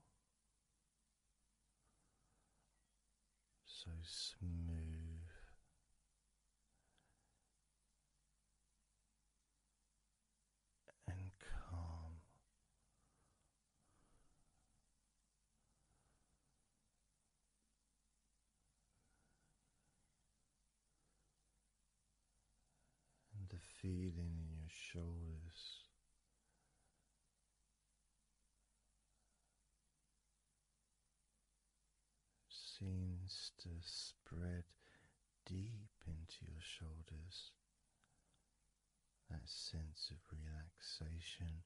so smooth. And calm, the feeling in your shoulders. Seems to spread deep into your shoulders. That sense of relaxation,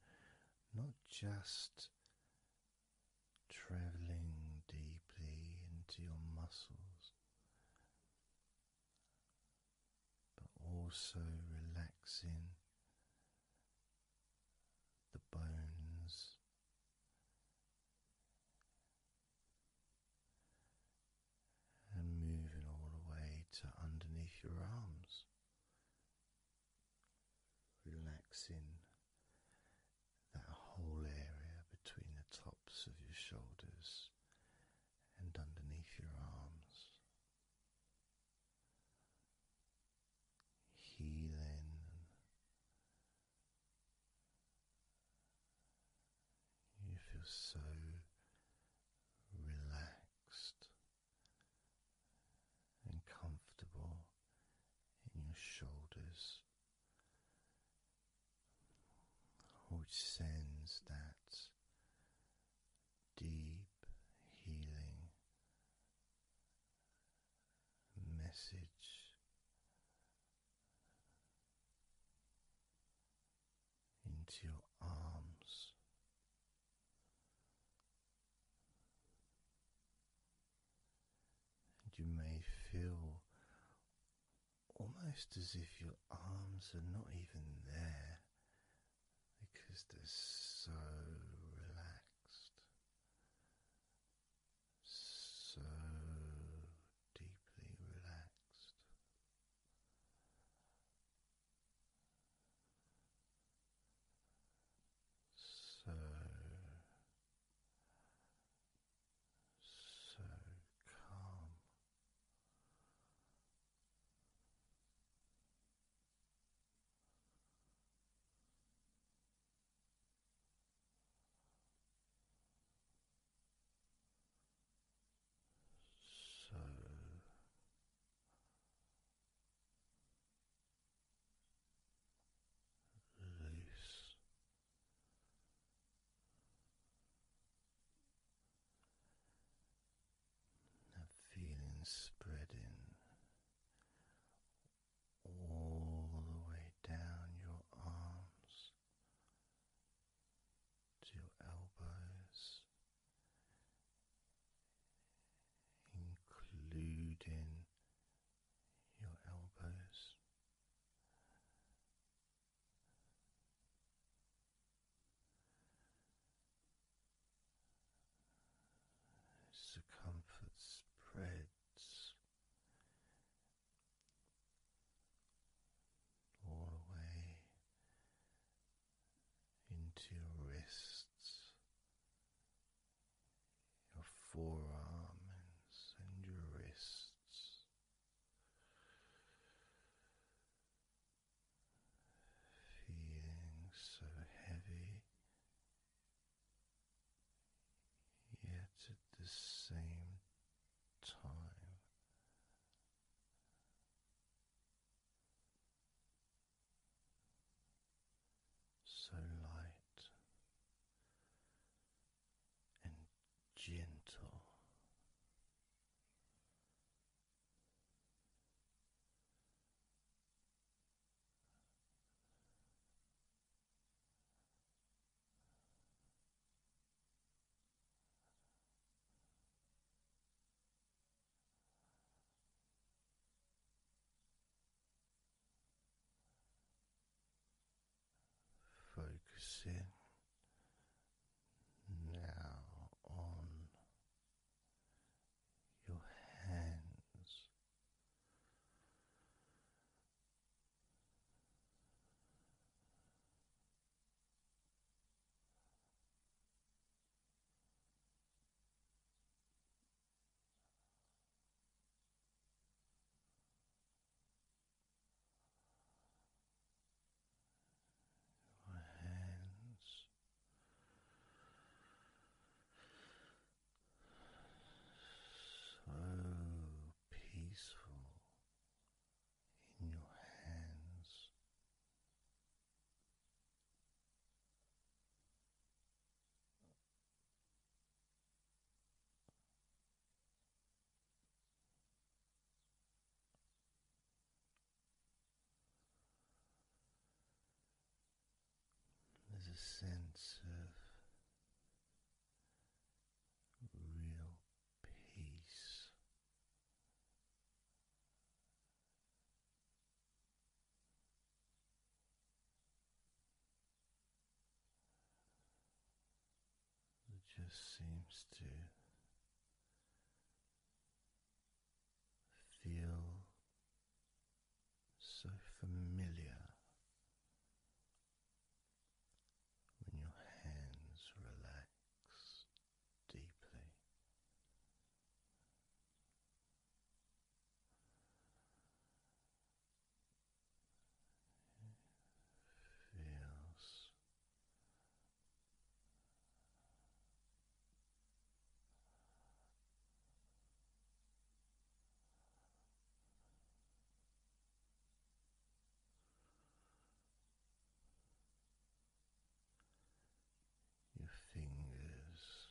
not just traveling deeply into your muscles, but also relaxing the bones. And moving all the way to underneath your arms, relaxing that whole area between the tops of your shoulders and underneath your arms. Healing you feel so relaxed and comfortable in your shoulders which sends that deep healing message into your arms. And you may feel almost as if your arms are not even there because they're so relaxed, so deeply relaxed. So so calm. So release that feeling spreading all the way down your arms to your elbows, including your elbows. Circumference spreads all the way into your wrists, your forearms, and your wrists. Feeling so heavy, yet at the same time so light and gentle. Focusing now on your hands your hands. So peaceful in your hands, there's a sense of real peace. It just seems to feel so familiar when your hands relax deeply feels your fingers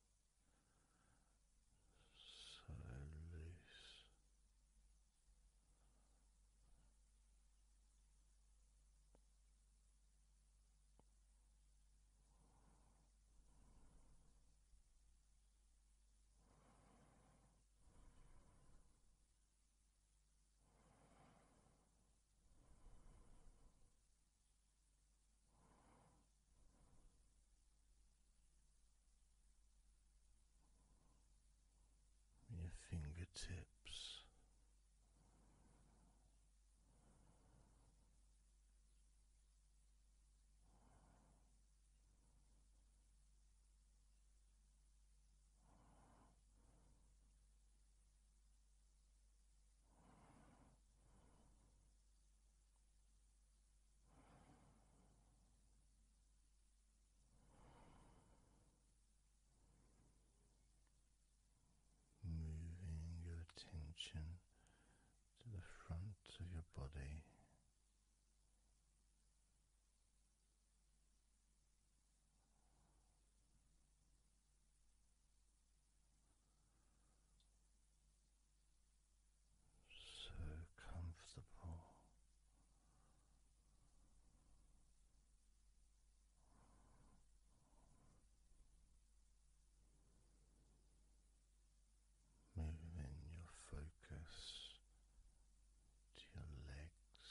so loose your fingertips. Moving your attention to the front of your body. So comfortable. Moving your focus to your legs,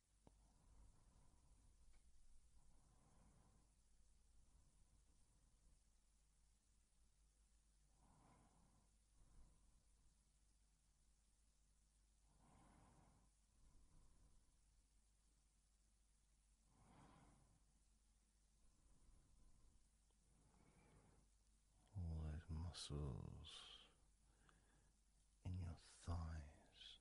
All those muscles in your thighs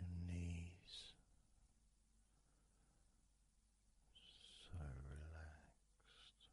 your knees so relaxed.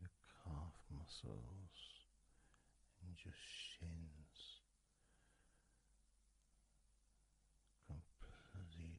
your calf muscles and your shins completely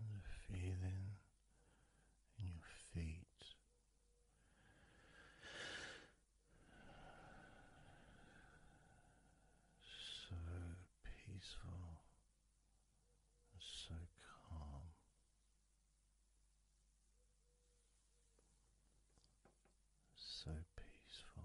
And the feeling in your feet so peaceful so calm. So peaceful.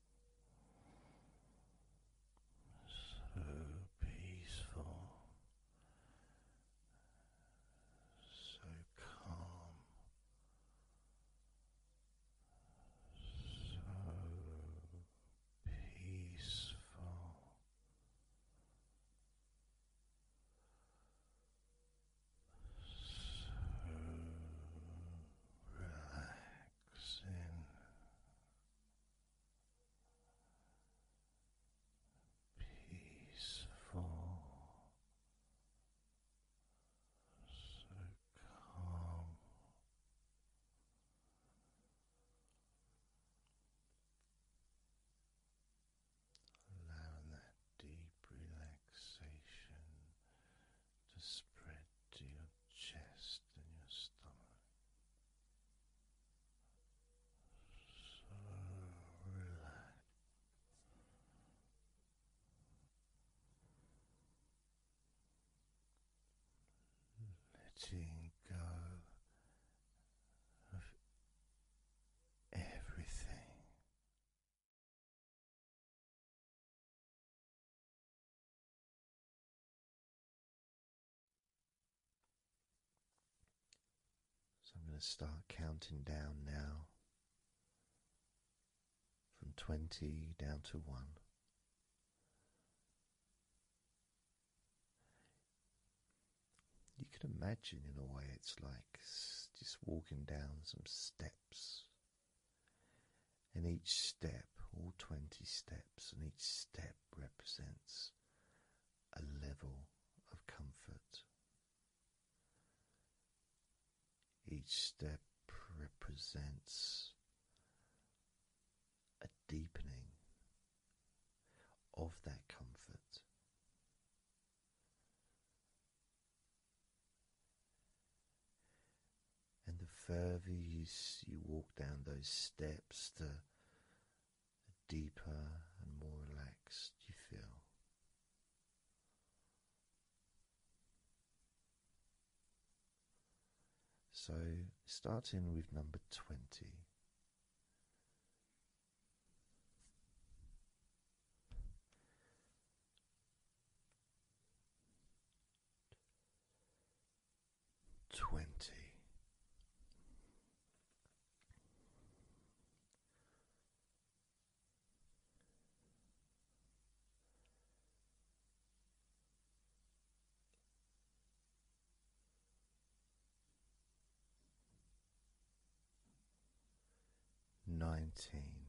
so peaceful, so calm, so peaceful. So relaxed relaxing, peaceful, so calm. Allowing that deep relaxation to spread to your chest and your stomach. So relaxed. Letting go of everything so I'm going to start counting down now from 20 down to 1. You can imagine, in a way, it's like just walking down some steps and each step, all 20 steps, and each step represents a level of comfort. Each step represents a deepening of that comfort. And the further you, you walk down those steps, the, the deeper and more relaxed you feel. So, starting with number 20 twenty. Nineteen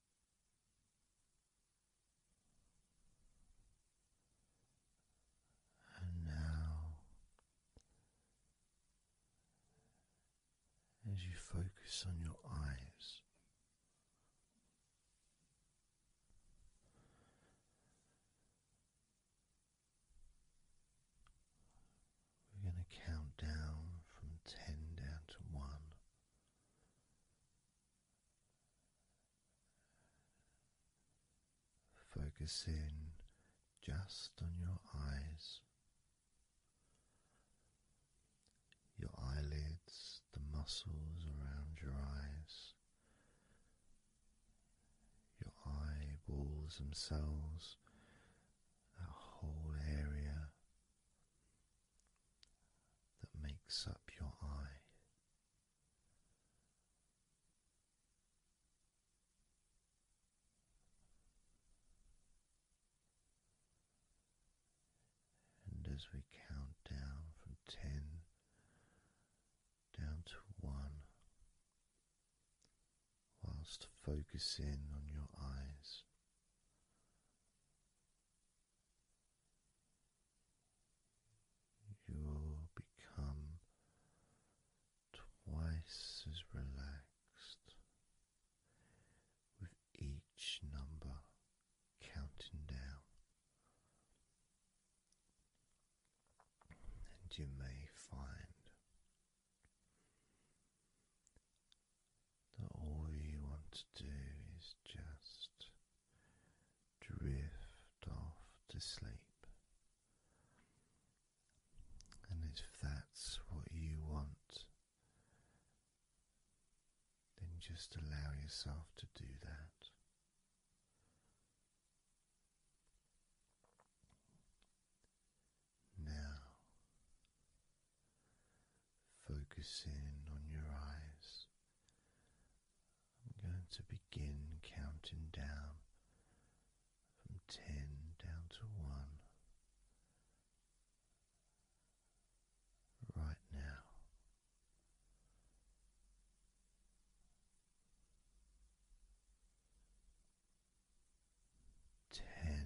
And now, as you focus on your eyes, we're going to count down from ten down to one. Focus in just on your eyes, your eyelids, the muscles around your eyes, your eyeballs themselves, that whole area that makes up your eye. And as we count down from ten down to one, whilst focusing on your eyes. You'll become twice as relaxed with each number counting down, and you may find that all you want to do is just drift off to sleep. And if that's what you want, then just allow yourself to do that. Now, Focus in on your eyes, I'm going to begin counting down from ten down to one right now. Ten.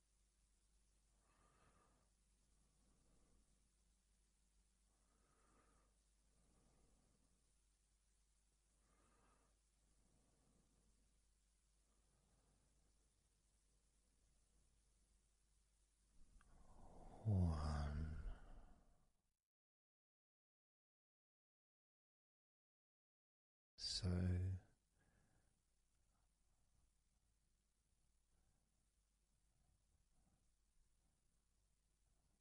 One. So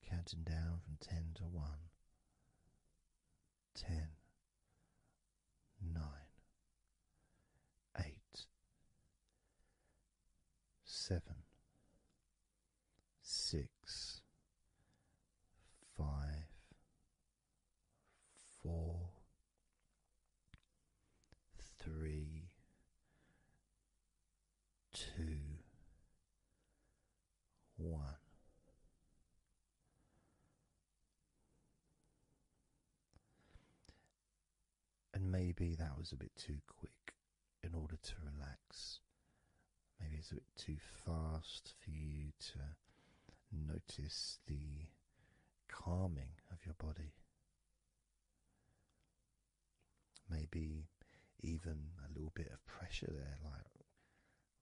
Counting down from ten to one. Ten, nine, eight, seven, six, five, four, three, two, one. And maybe that was a bit too quick in order to relax. Maybe it's a bit too fast for you to notice the calming of your body. Maybe even a little bit of pressure there, like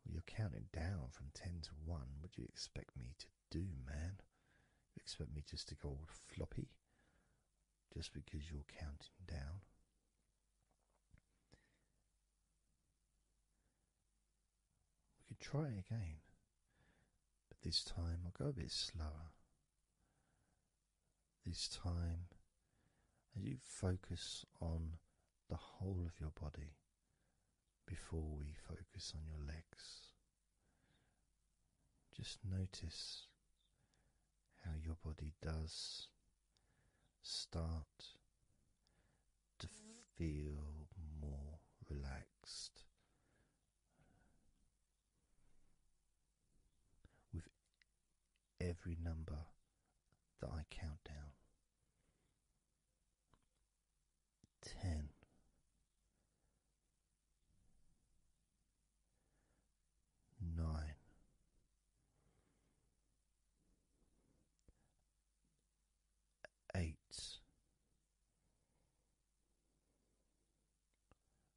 you're counting down from 10 to 1. What do you expect me to do, man? You expect me just to go all floppy just because you're counting down? We could try again. But this time I'll go a bit slower. This time, as you focus on the whole of your body before we focus on your legs, just notice how your body does start to feel more relaxed with every number that I count down. Ten. Eight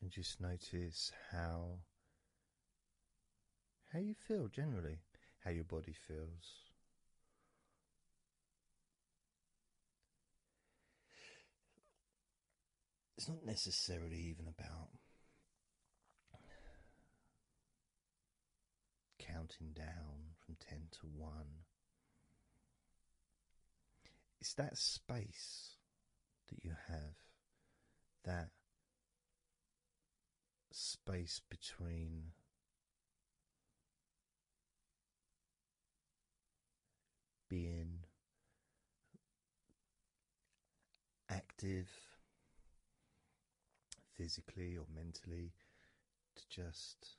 And just notice how how you feel generally, how your body feels. It's not necessarily even about counting down from 10 to 1. It's that space that you have, that space between being active physically or mentally to just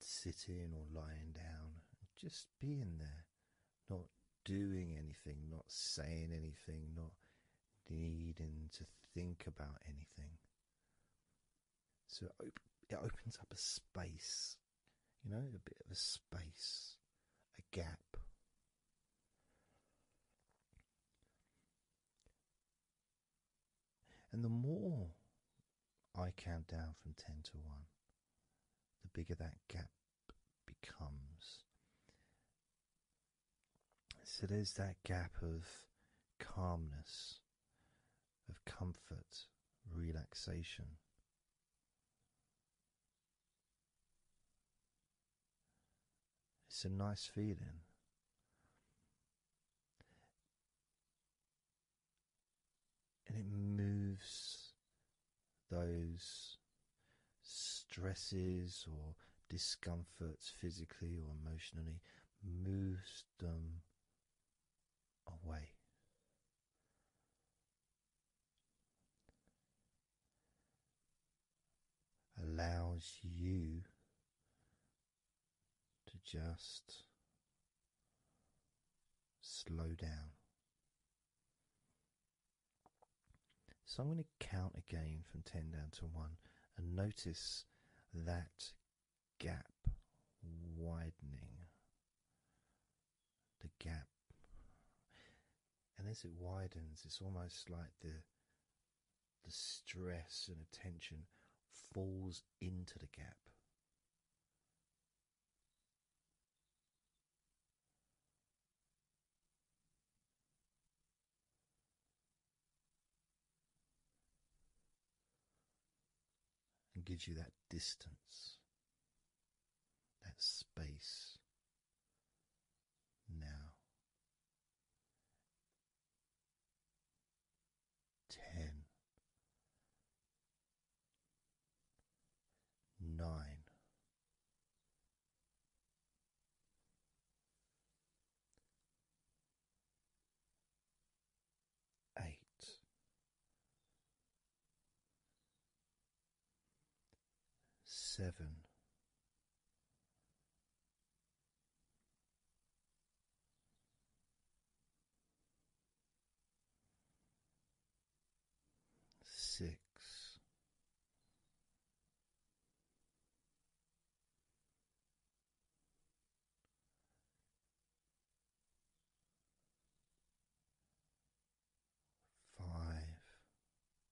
sitting or lying down, just being there, not doing anything, not saying anything, not needing to think about anything. So it, opens up a space, you know, a bit of a space, a gap. And the more I count down from 10 to 1, the bigger that gap becomes. So there's that gap of calmness, of comfort, relaxation. It's a nice feeling. And it moves those stresses or discomforts, physically or emotionally, moves them away allows you to just slow down. So I'm going to count again from 10 down to 1 and notice that gap widening. The gap. And as it widens, it's almost like the the stress and attention falls into the gap. And gives you that distance, that space now ten, nine, eight seven six five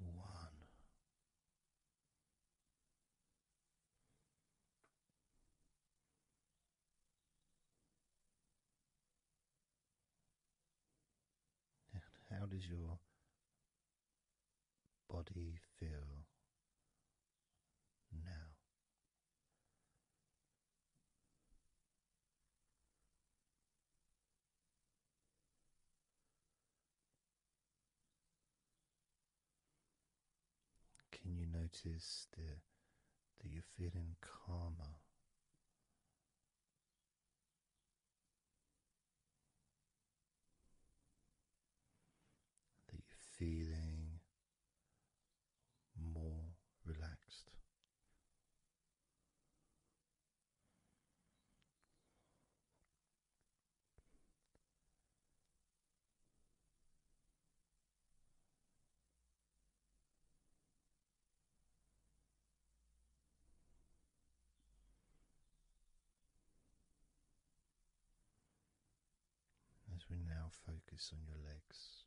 One. how does your body feel now? Can you notice the, that you're feeling calmer? that you're feeling more relaxed. As we now focus on your legs,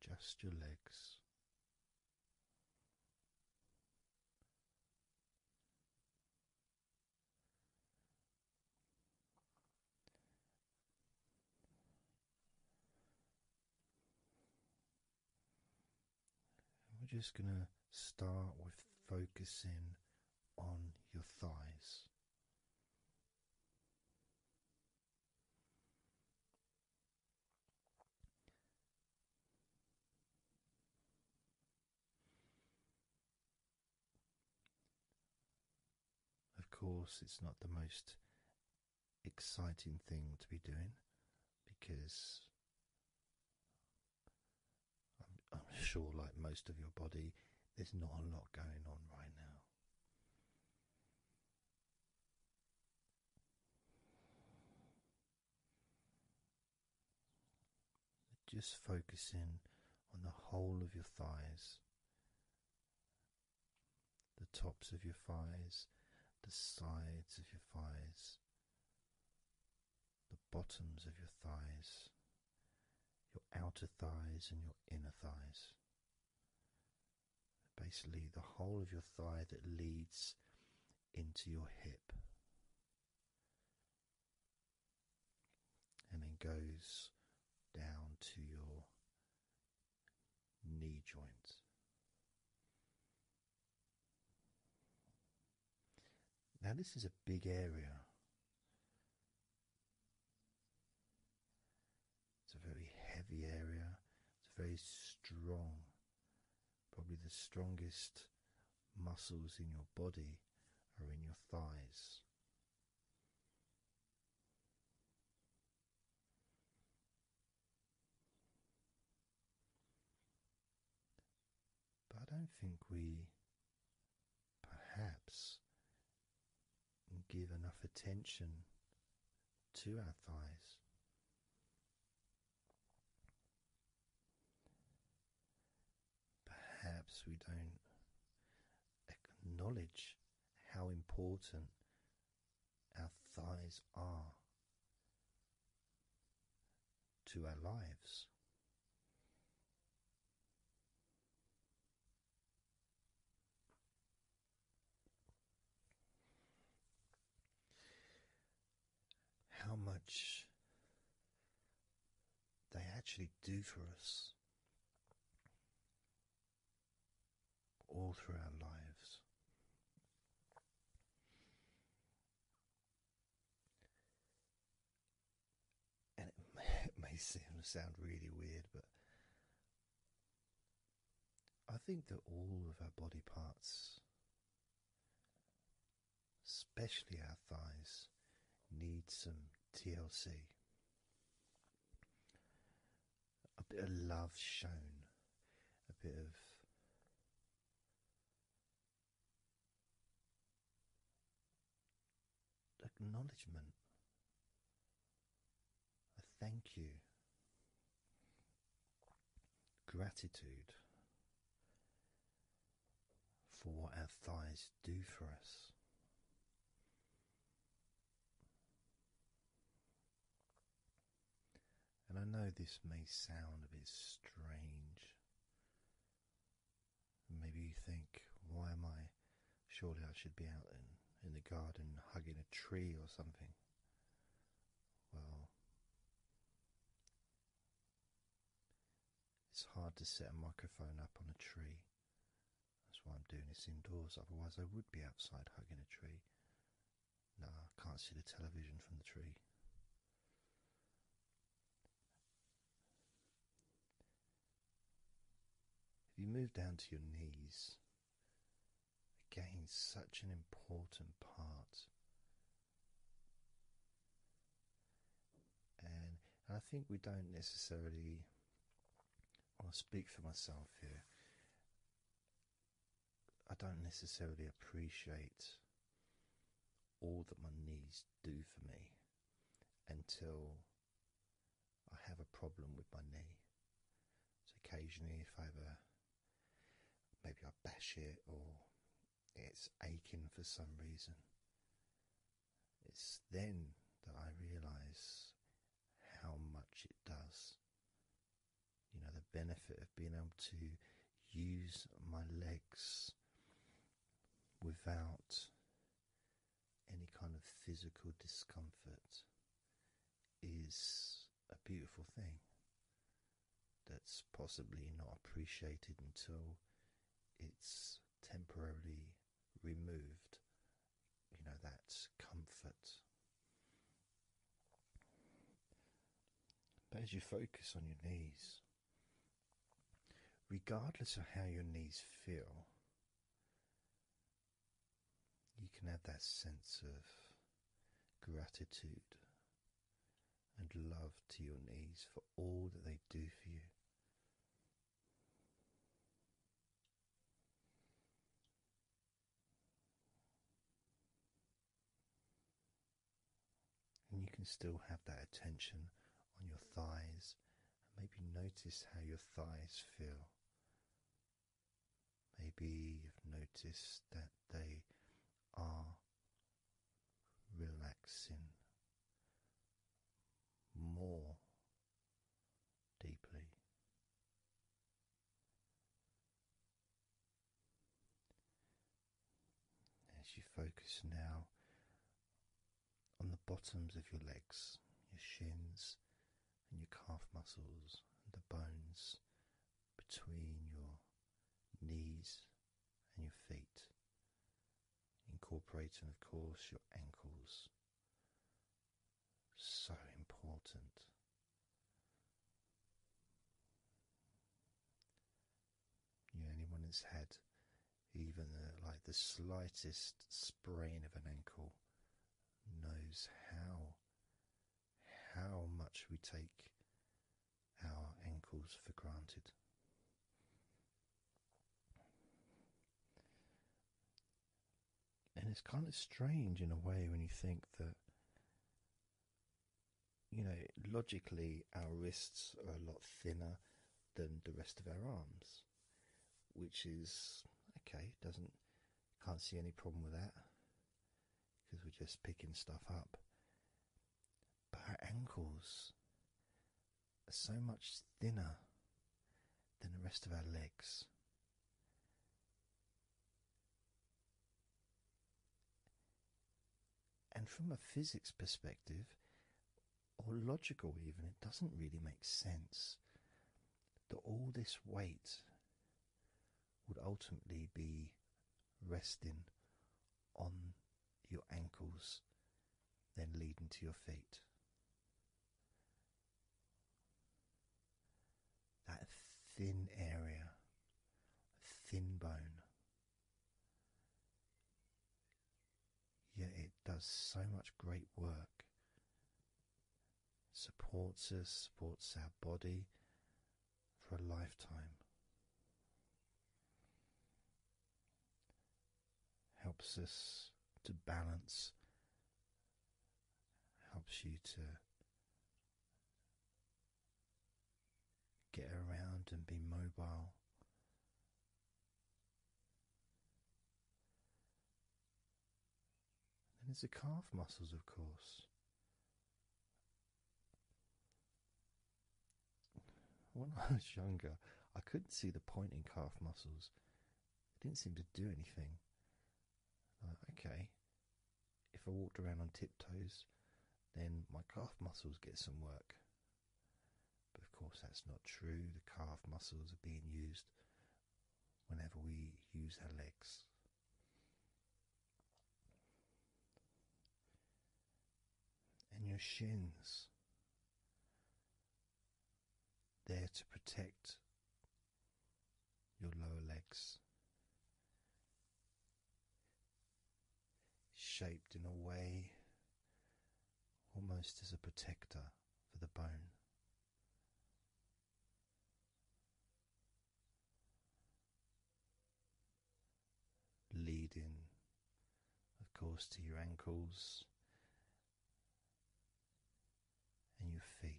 just your legs. we're just going to start with focusing on your thighs. Of course, it's not the most exciting thing to be doing because I'm, sure, like most of your body, there's not a lot going on right now. Just focusing on the whole of your thighs, the tops of your thighs, the sides of your thighs, the bottoms of your thighs, your outer thighs, and your inner thighs. Basically, the whole of your thigh that leads into your hip and then goes down to your knee joint. Now, this is a big area it's a very heavy area, it's very strong, probably the strongest muscles in your body are in your thighs. But I don't think we perhaps give enough attention to our thighs. Perhaps we don't acknowledge how important our thighs are to our lives. How much they actually do for us all through our lives and it may, seem to sound really weird, but I think that all of our body parts, especially our thighs, need some TLC. A bit of love shown, a bit of acknowledgement, a thank you, gratitude for what our thighs do for us. And I know this may sound a bit strange Maybe you think, why am I? Surely I should be out in, in the garden hugging a tree or something. Well, it's hard to set a microphone up on a tree. That's why I'm doing this indoors, otherwise, I would be outside hugging a tree. No, I can't see the television from the tree. If you move down to your knees, again, such an important part. And, I think we don't necessarily, I'll speak for myself here, I don't necessarily appreciate all that my knees do for me until I have a problem with my knee. So occasionally, if I ever maybe I bash it or it's aching for some reason, it's then that I realise how much it does. You know, the benefit of being able to use my legs without any kind of physical discomfort is a beautiful thing that's possibly not appreciated until it's temporarily removed. You know, that's comfort. But as you focus on your knees, regardless of how your knees feel, you can have that sense of gratitude and love to your knees for all that they do for you. And you can still have that attention on your thighs thighs. Maybe notice how your thighs feel. Maybe you've noticed that they are relaxing more deeply. As you focus now on the bottoms of your legs, your shins, and your calf muscles, and the bones between your knees and your feet, incorporating, of course, your ankles. So important. You know, anyone that's had even the, like the slightest sprain of an ankle knows how how much we take our ankles for granted. And it's kind of strange in a way when you think that, you know, logically our wrists are a lot thinner than the rest of our arms which is okay, doesn't can't see any problem with that because we're just picking stuff up. But our ankles are so much thinner than the rest of our legs. And from a physics perspective, or logical, even. It doesn't really make sense that all this weight would ultimately be resting on your ankles, then leading to your feet. That thin area, thin bone yet it does so much great work. Supports us, supports our body for a lifetime. Helps us to balance, helps you to get around and be mobile. And it's the calf muscles, of course. When I was younger, I couldn't see the point in calf muscles. They didn't seem to do anything. okay, if I walked around on tiptoes, then my calf muscles get some work. But of course, that's not true. The calf muscles are being used whenever we use our legs. And your shins, there to protect your lower legs, shaped in a way almost as a protector for the bone leading, of course, to your ankles and your feet.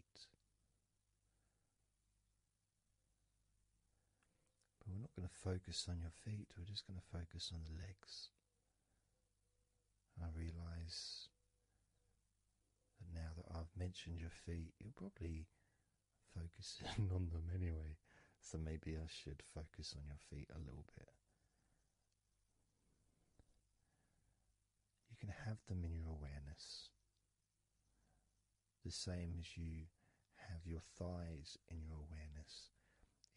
But we're not going to focus on your feet, we're just going to focus on the legs. I realize that now that I've mentioned your feet, you're probably focusing on them anyway, so maybe I should focus on your feet a little bit. You can have them in your awareness. The same as you have your thighs in your awareness,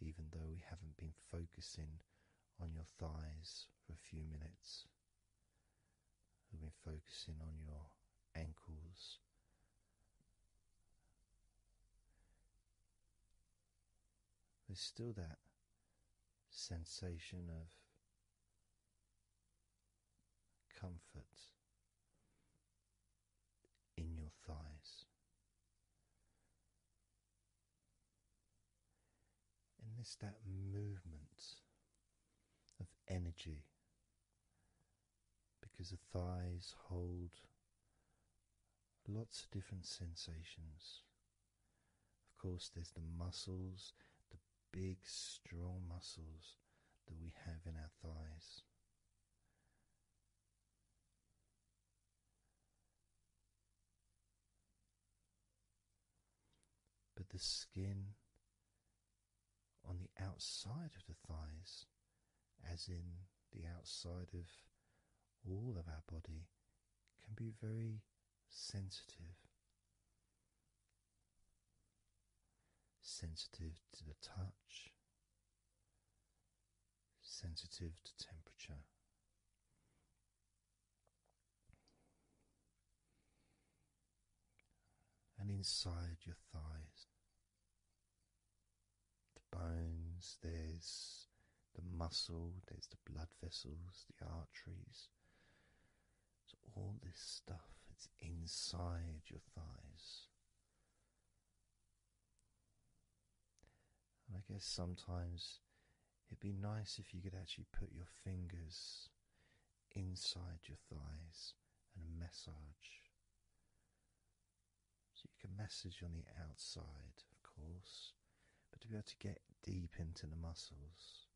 even though we haven't been focusing on your thighs for a few minutes we have been focusing on your ankles. There's still that sensation of comfort in your thighs. And this, that movement of energy because the thighs hold lots of different sensations. Of course, there's the muscles, the big, strong muscles that we have in our thighs. But the skin on the outside of the thighs, as in the outside of all of our body, can be very sensitive. Sensitive to the touch, sensitive to temperature, and inside your thighs. The bones, there's the muscle, there's the blood vessels, the arteries. So all this stuff it's inside your thighs. I guess sometimes It'd be nice if you could actually put your fingers inside your thighs and massage. So you can massage on the outside, of course, but to be able to get deep into the muscles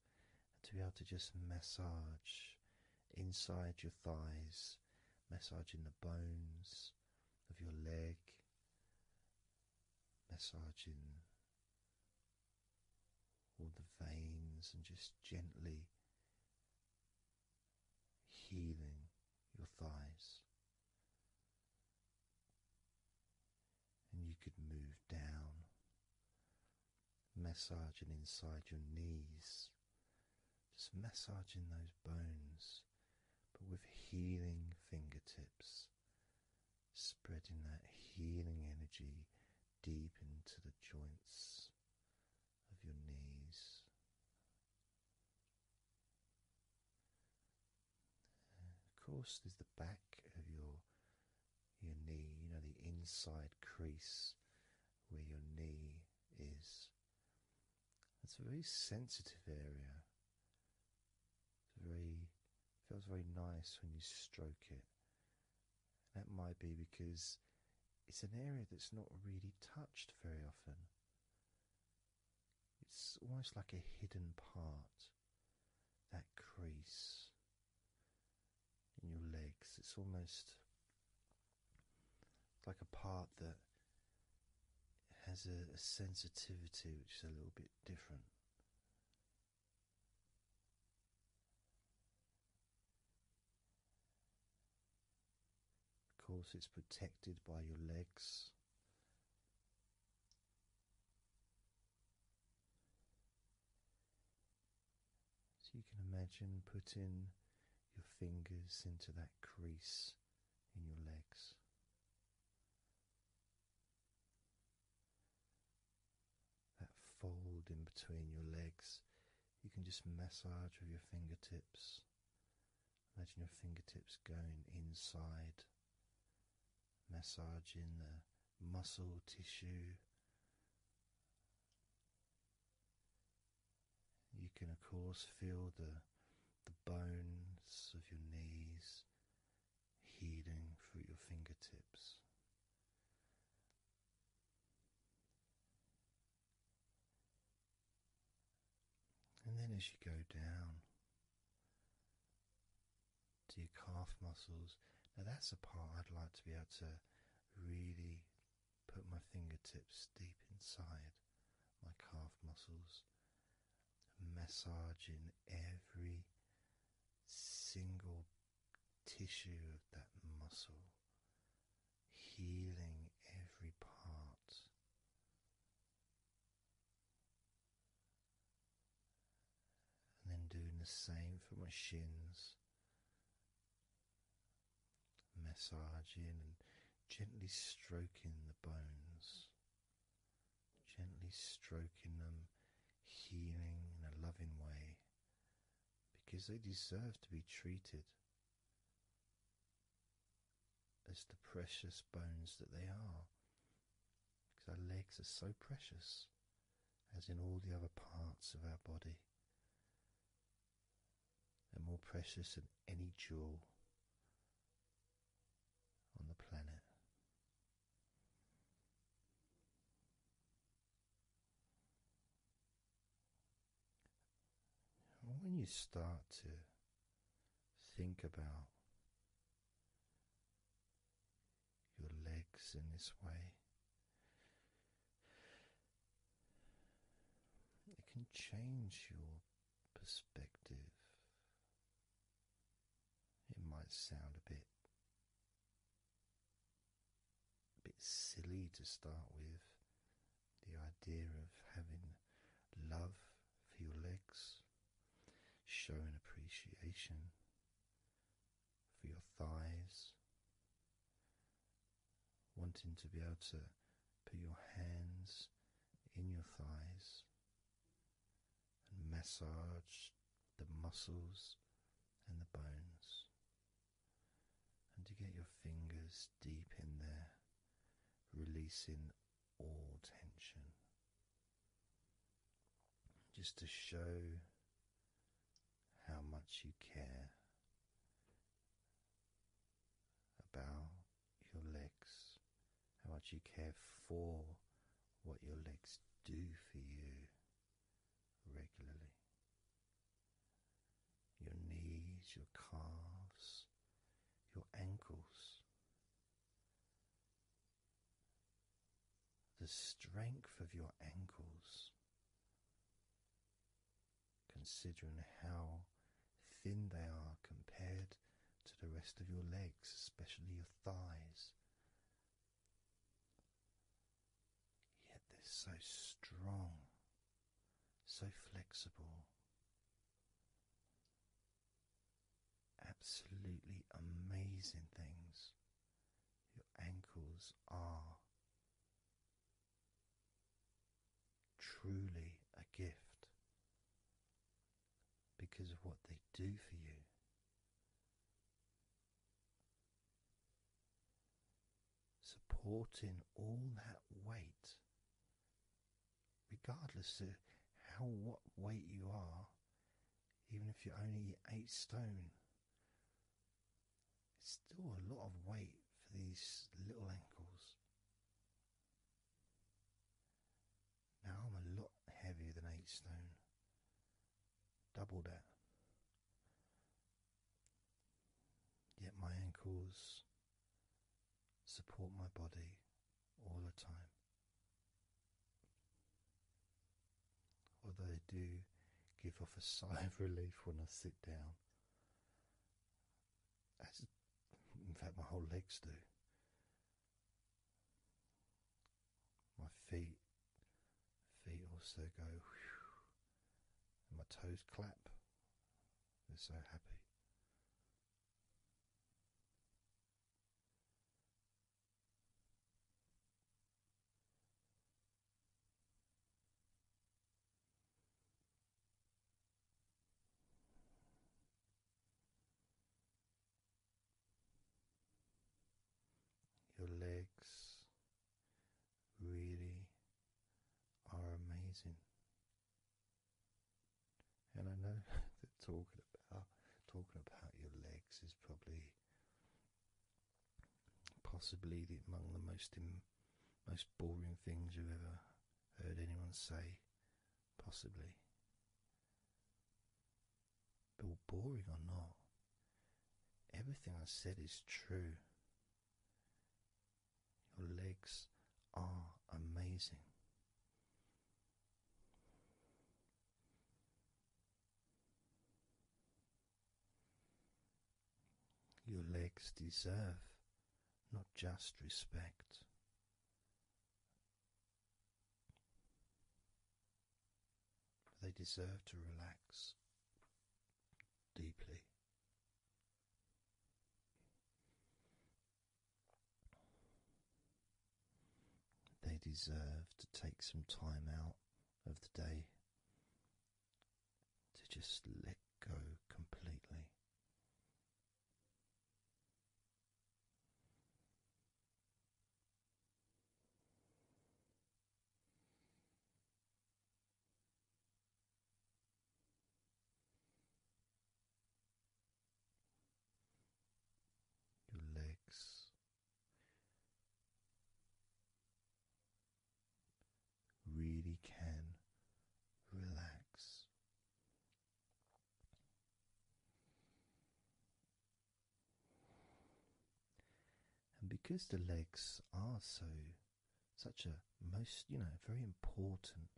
and to be able to just massage inside your thighs, massaging the bones of your leg, massaging all the veins and just gently healing your thighs. And you could move down, massaging inside your knees, just massaging those bones, but with healing fingertips spreading that healing energy deep into the joints of your knees. Of course, there's the back of your your knee, you know, the inside crease where your knee is. It's a very sensitive area very feels very nice when you stroke it. That might be because it's an area that's not really touched very often. It's almost like a hidden part. That crease in your legs. It's almost like a part that has a sensitivity which is a little bit different. Of course, it's protected by your legs. So you can imagine putting your fingers into that crease in your legs that fold in between your legs. You can just massage with your fingertips. Imagine your fingertips going inside, massaging the muscle tissue. You can, of course, feel the the bones of your knees healing through your fingertips. And then, as you go down to your calf muscles, now that's a part I'd like to be able to really put my fingertips deep inside my calf muscles, massaging every single tissue of that muscle, healing every part. And then doing the same for my shins, massaging and gently stroking the bones, gently stroking them, healing in a loving way because they deserve to be treated as the precious bones that they are. Because our legs are so precious, as in all the other parts of our body. They're more precious than any jewel on the planet when you start to think about your legs in this way, it can change your perspective. It might sound a bit bit silly to start with. The idea of having love for your legs, showing appreciation for your thighs, wanting to be able to put your hands in your thighs and massage the muscles and the bones, and to get your fingers deep in there, releasing all tension. Just to show how much you care about your legs, how much you care for what your legs do for you, regularly. Your knees, your calves, your ankles. The strength of your ankles, considering how thin they are compared to the rest of your legs, especially your thighs Yet they're so strong, so flexible, absolutely amazing things. Your ankles are truly a gift because of what they do for you supporting all that weight, regardless of how what weight you are, even if you're only eight stone, it's still a lot of weight for these little ankles. Now I'm a lot heavier than eight stone, double that. Yet my ankles support my body all the time. Although I do give off a sigh of relief when I sit down, as in fact my whole legs do. My feet feet also go, and my toes clap. They're so happy. Your legs really are amazing. And I know that talking about talking about your legs is probably possibly the, among the most Im, most boring things you've ever heard anyone say, possibly. But boring or not, Everything I said is true. Your legs are amazing. Your legs deserve not just respect. They deserve to relax deeply. They deserve to take some time out of the day to just let go completely your legs. Really can relax and because the legs are so such a most you know very important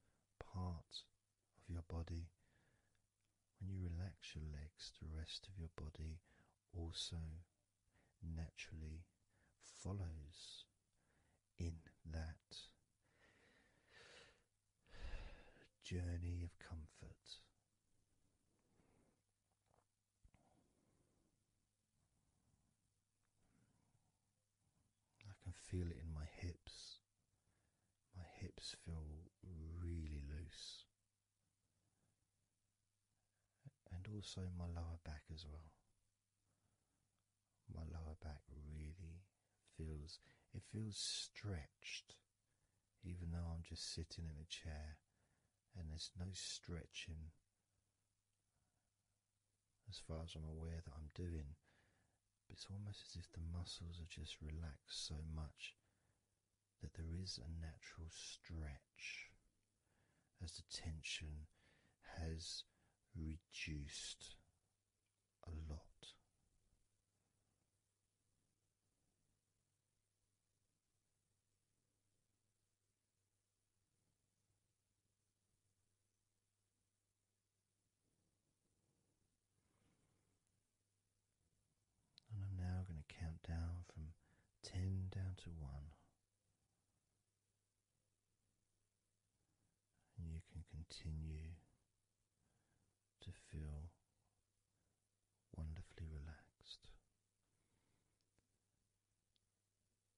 part of your body, when you relax your legs, the rest of your body also naturally follows in that journey of comfort. I can feel it in my hips. My hips feel really loose. And also my lower back as well. My lower back really feels, it feels stretched, even though I'm just sitting in a chair and there's no stretching, as far as I'm aware, that I'm doing. But it's almost as if the muscles are just relaxed so much that there is a natural stretch as the tension has reduced a lot. And I'm now going to count down from 10 down to 1. And you can continue to feel wonderfully relaxed.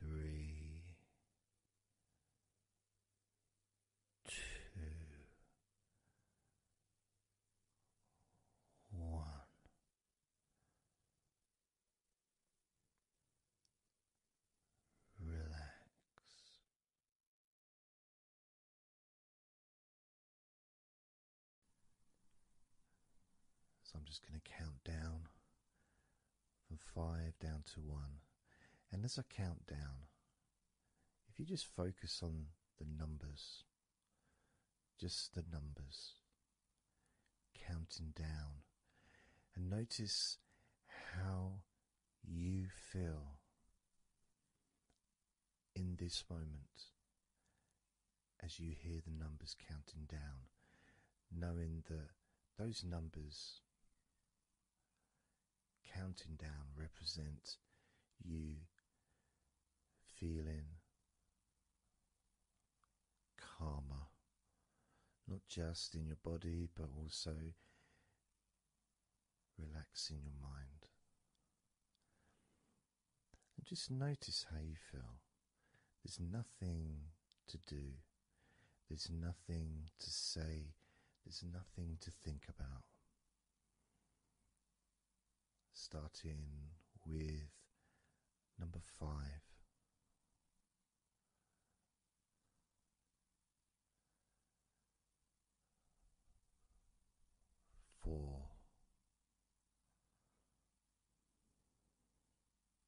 three, two, one. Relax. So I'm just going to count down from five down to one. And as I count down, if you just focus on the numbers, just the numbers, counting down, and notice how you feel in this moment as you hear the numbers counting down, knowing that those numbers counting down represent you feeling calmer, not just in your body but also relaxing your mind just notice how you feel. There's nothing to do, there's nothing to say, there's nothing to think about. Starting with number five. Four,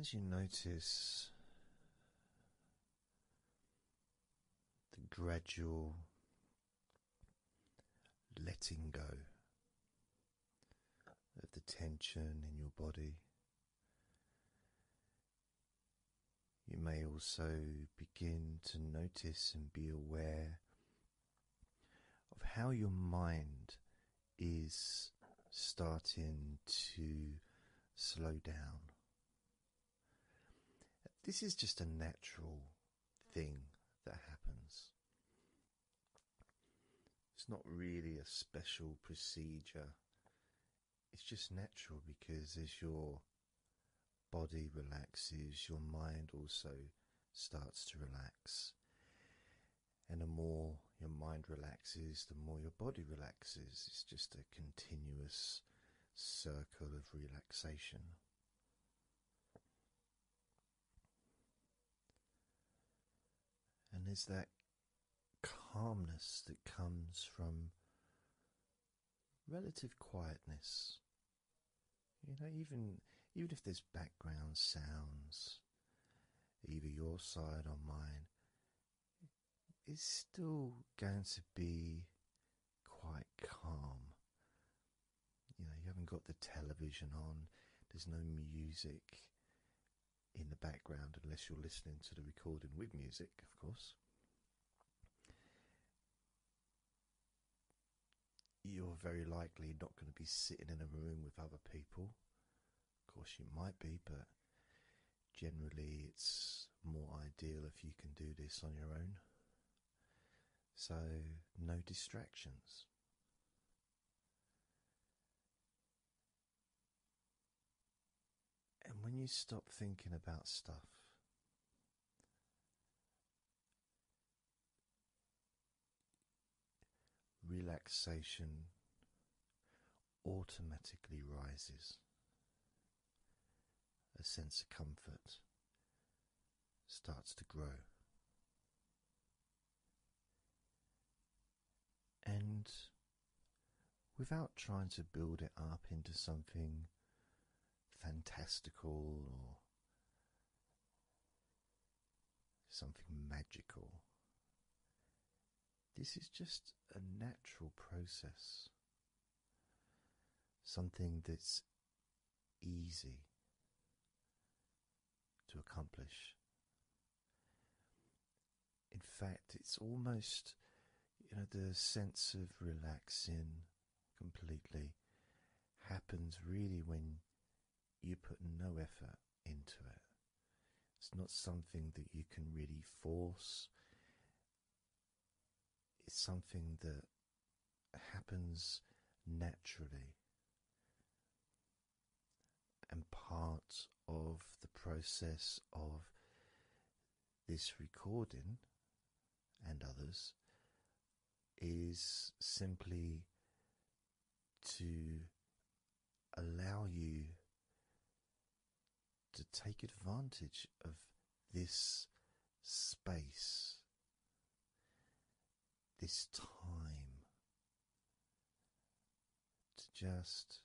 As you notice the gradual letting go of the tension in your body, you may also begin to notice and be aware of how your mind is starting to slow down. This is just a natural thing that happens. It's not really a special procedure. It's just natural because as your body relaxes, your mind also starts to relax. And the more your mind relaxes, the more your body relaxes. It's just a continuous circle of relaxation. And there's that calmness that comes from relative quietness, you know, even even if there's background sounds, either your side or mine, it's still going to be quite calm. You know, you haven't got the television on. There's no music in the background unless you're listening to the recording with music, of course you're very likely not going to be sitting in a room with other people. Of course, you might be, but generally, it's more ideal if you can do this on your own. So, no distractions. And when you stop thinking about stuff relaxation automatically rises, a sense of comfort starts to grow. And without trying to build it up into something fantastical or something magical. This is just a natural process, something that's easy to accomplish. In fact, it's almost, you know, the sense of relaxing completely happens really when you put no effort into it. It's not something that you can really force. It's something that happens naturally. And part of the process of this recording and others is simply to allow you to take advantage of this space, this time, to just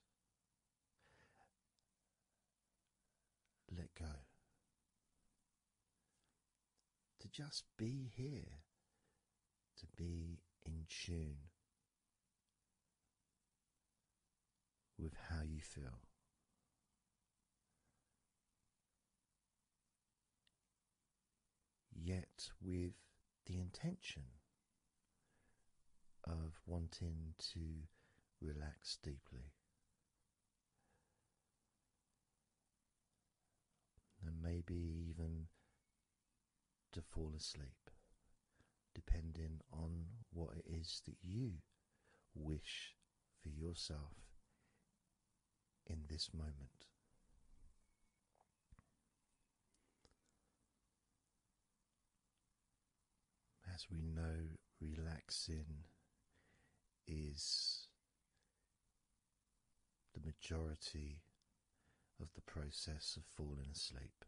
let go to just be here, to be in tune with how you feel. Yet with the intention of wanting to relax deeply and maybe even to fall asleep, depending on what it is that you wish for yourself in this moment. As we know, relaxing is the majority of the process of falling asleep.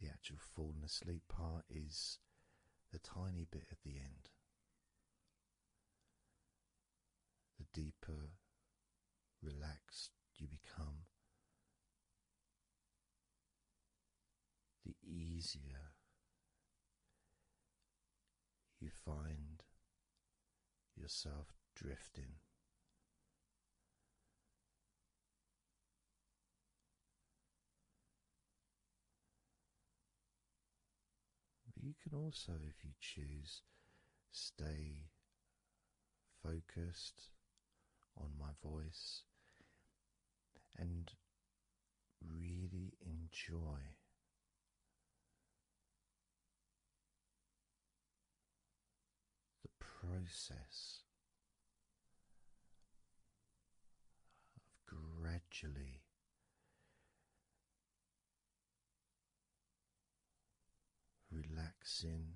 The actual falling asleep part is the tiny bit at the end. The deeper relaxed you become, the easier you find yourself drifting. But you can also, if you choose, stay focused on my voice and really enjoy the process of gradually. Relaxing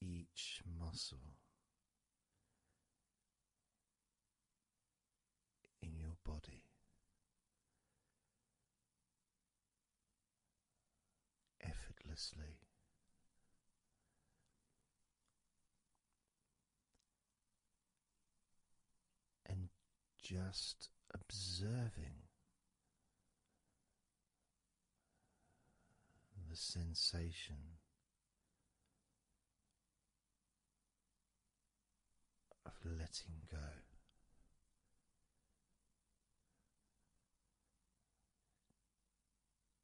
each muscle in your body. Effortlessly, and just observing the sensation of letting go.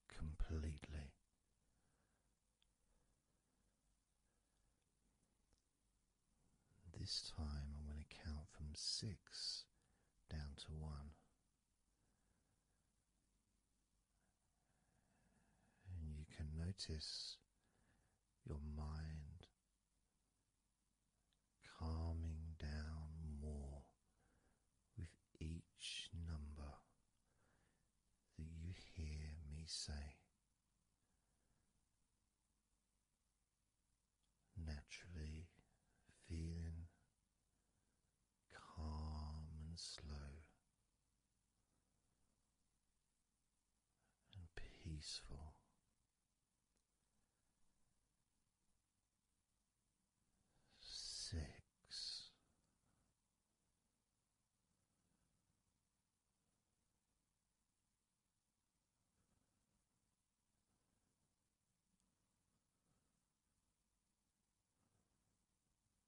Completely this time, I'm going to count from six down to one, and you can notice your mind calming down more with each number that you hear me say. Naturally feeling calm and slow, and peaceful. Six.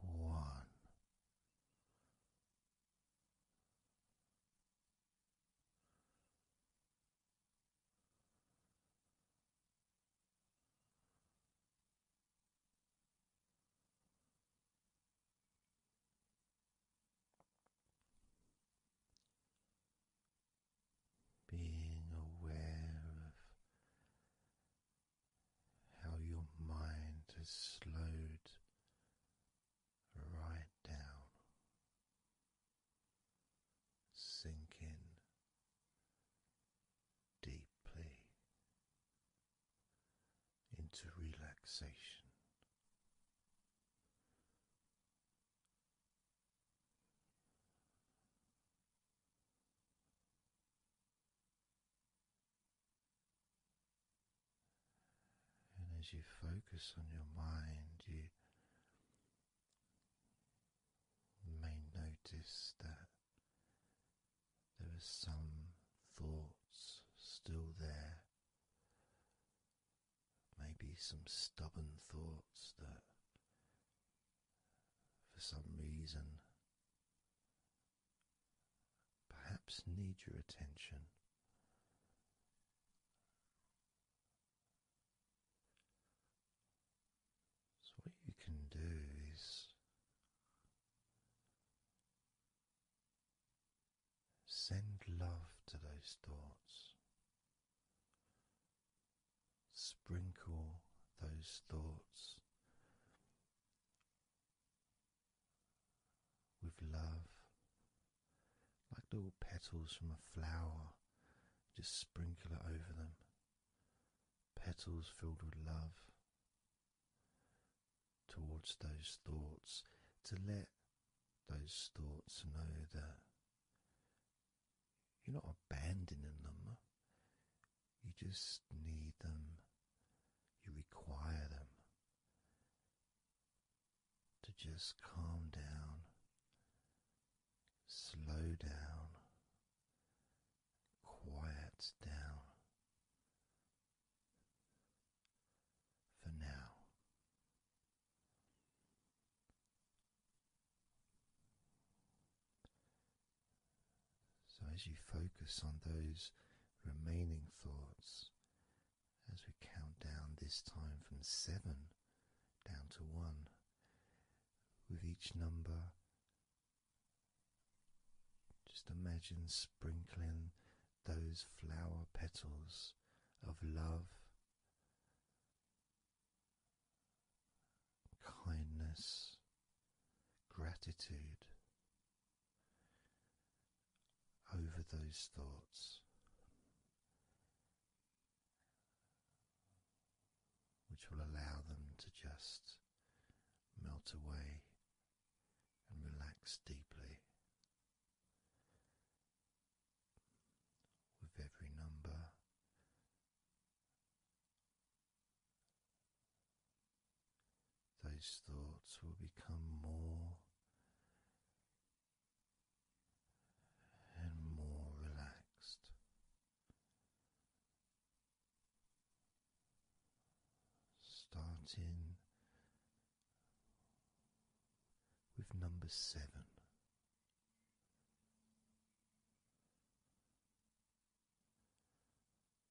one. Being aware of how your mind has slowed right down, sinking deeply into relaxation. And as you focus on your mind, you may notice that there are some thoughts still there, maybe some stubborn thoughts that for some reason perhaps need your attention. So, what you can do is send love to those thoughts, sprinkle those thoughts with love, like little petals from a flower, just sprinkle it over them. Petals filled with love towards those thoughts, to let those thoughts know that you're not abandoning them, you just need them, you require them to just calm down, slow down, quiet down for now. So, as you focus on those remaining thoughts, as we count down this time from seven down to one, with each number, just imagine sprinkling those flower petals of love, kindness, gratitude, over those thoughts, which will allow them to just melt away and relax deeply. With every number those thoughts will become more and more relaxed. Starting with number seven.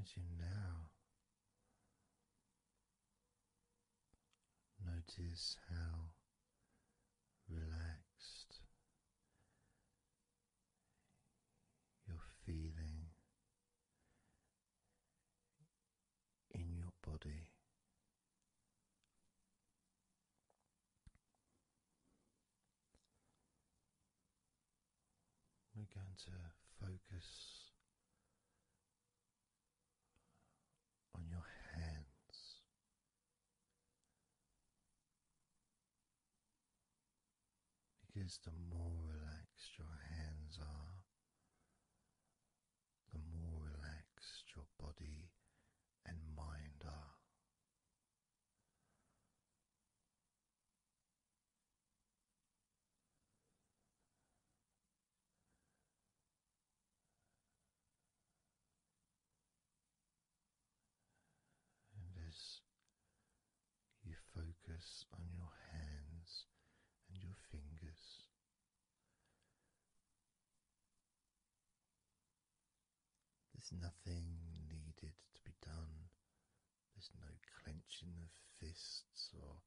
as you now notice how relaxed you're feeling in your body. We're going to focus on your hands. Because the more relaxed your hands are, the more relaxed your body and mind are. And as you focus on your hands and your fingers, there's nothing needed to be done. There's no clenching of fists or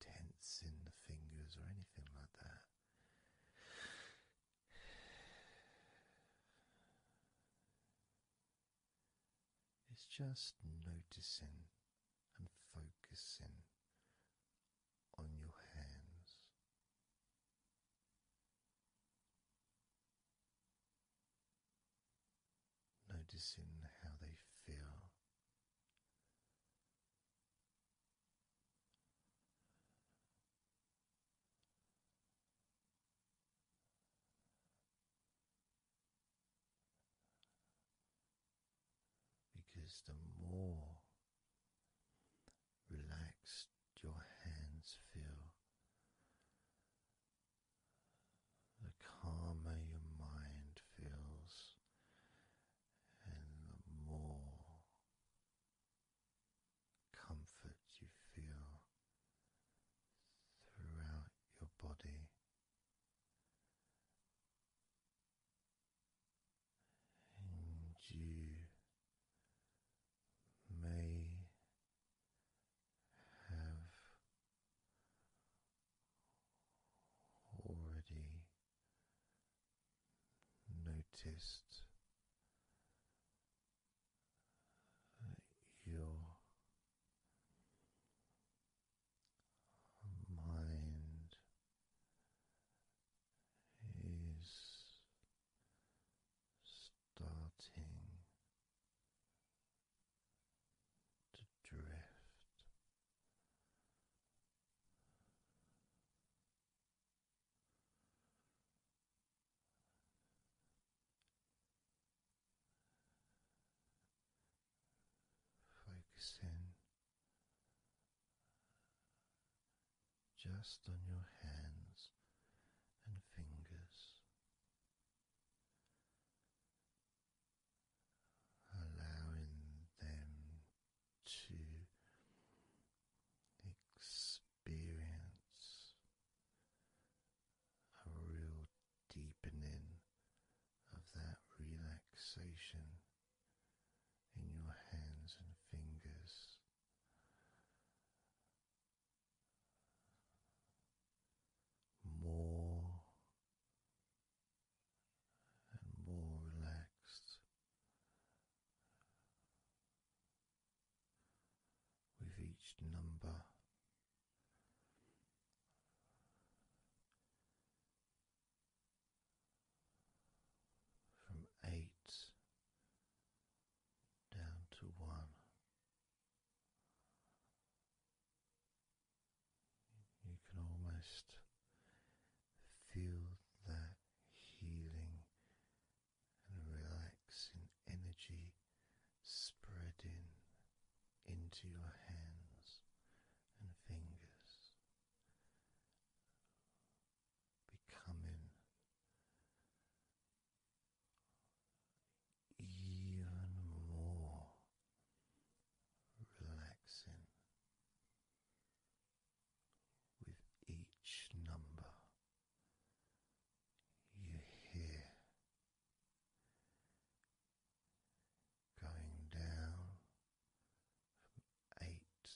tensing the fingers or anything like that. It's just noticing and focusing on your hands. Noticing how they feel. Because the more relaxed your hands feel, the calmer your mind feels, and the more comfort you feel throughout your body and you may have already noticed that your mind He's starting to drift. Focusing just on your hands and fingers. Allowing them to experience a real deepening of that relaxation in your hands and fingers more and more relaxed with each number from eight down to one. You can almost feel that healing and relaxing energy spreading into your hands and fingers becoming even more relaxing with each number you hear. Going down from eight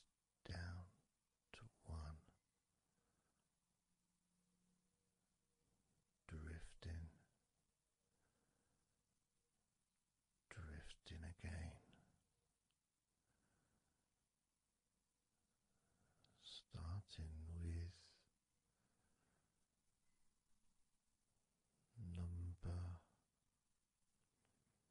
down to one, drifting, drifting again, starting with. Number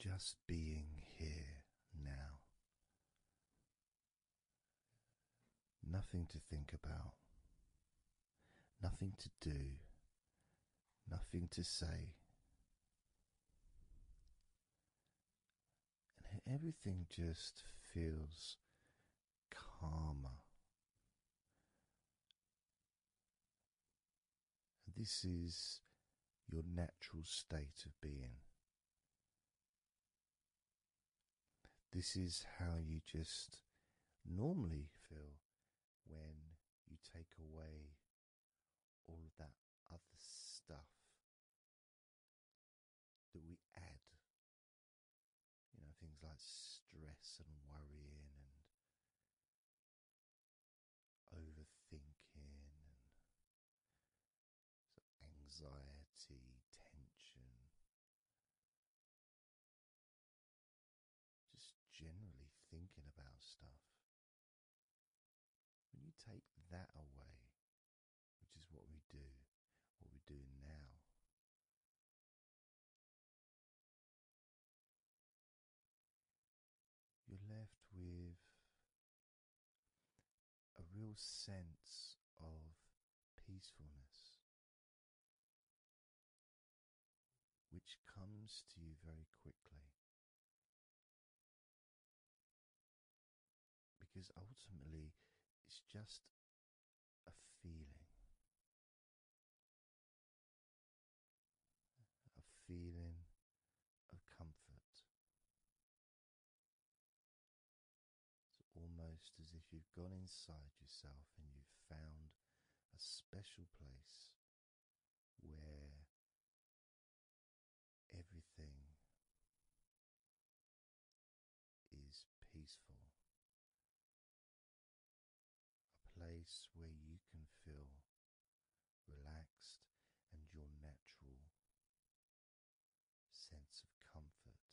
just being here now. Nothing to think about, nothing to do, nothing to say. And everything just feels calmer. This is your natural state of being. This is how you just normally feel when you take away all of that other stuff that we add. You know, things like stress and worrying and overthinking and so anxiety, tension, just generally thinking about stuff. When you take that away, which is what we do, what we're doing now. You're left with a real sense of peacefulness which comes to you very quickly. Because ultimately, it's just a feeling. A feeling of comfort, it's almost as if you've gone inside yourself and you've found a special place where everything is peaceful. A place where you can feel relaxed and your natural sense of comfort,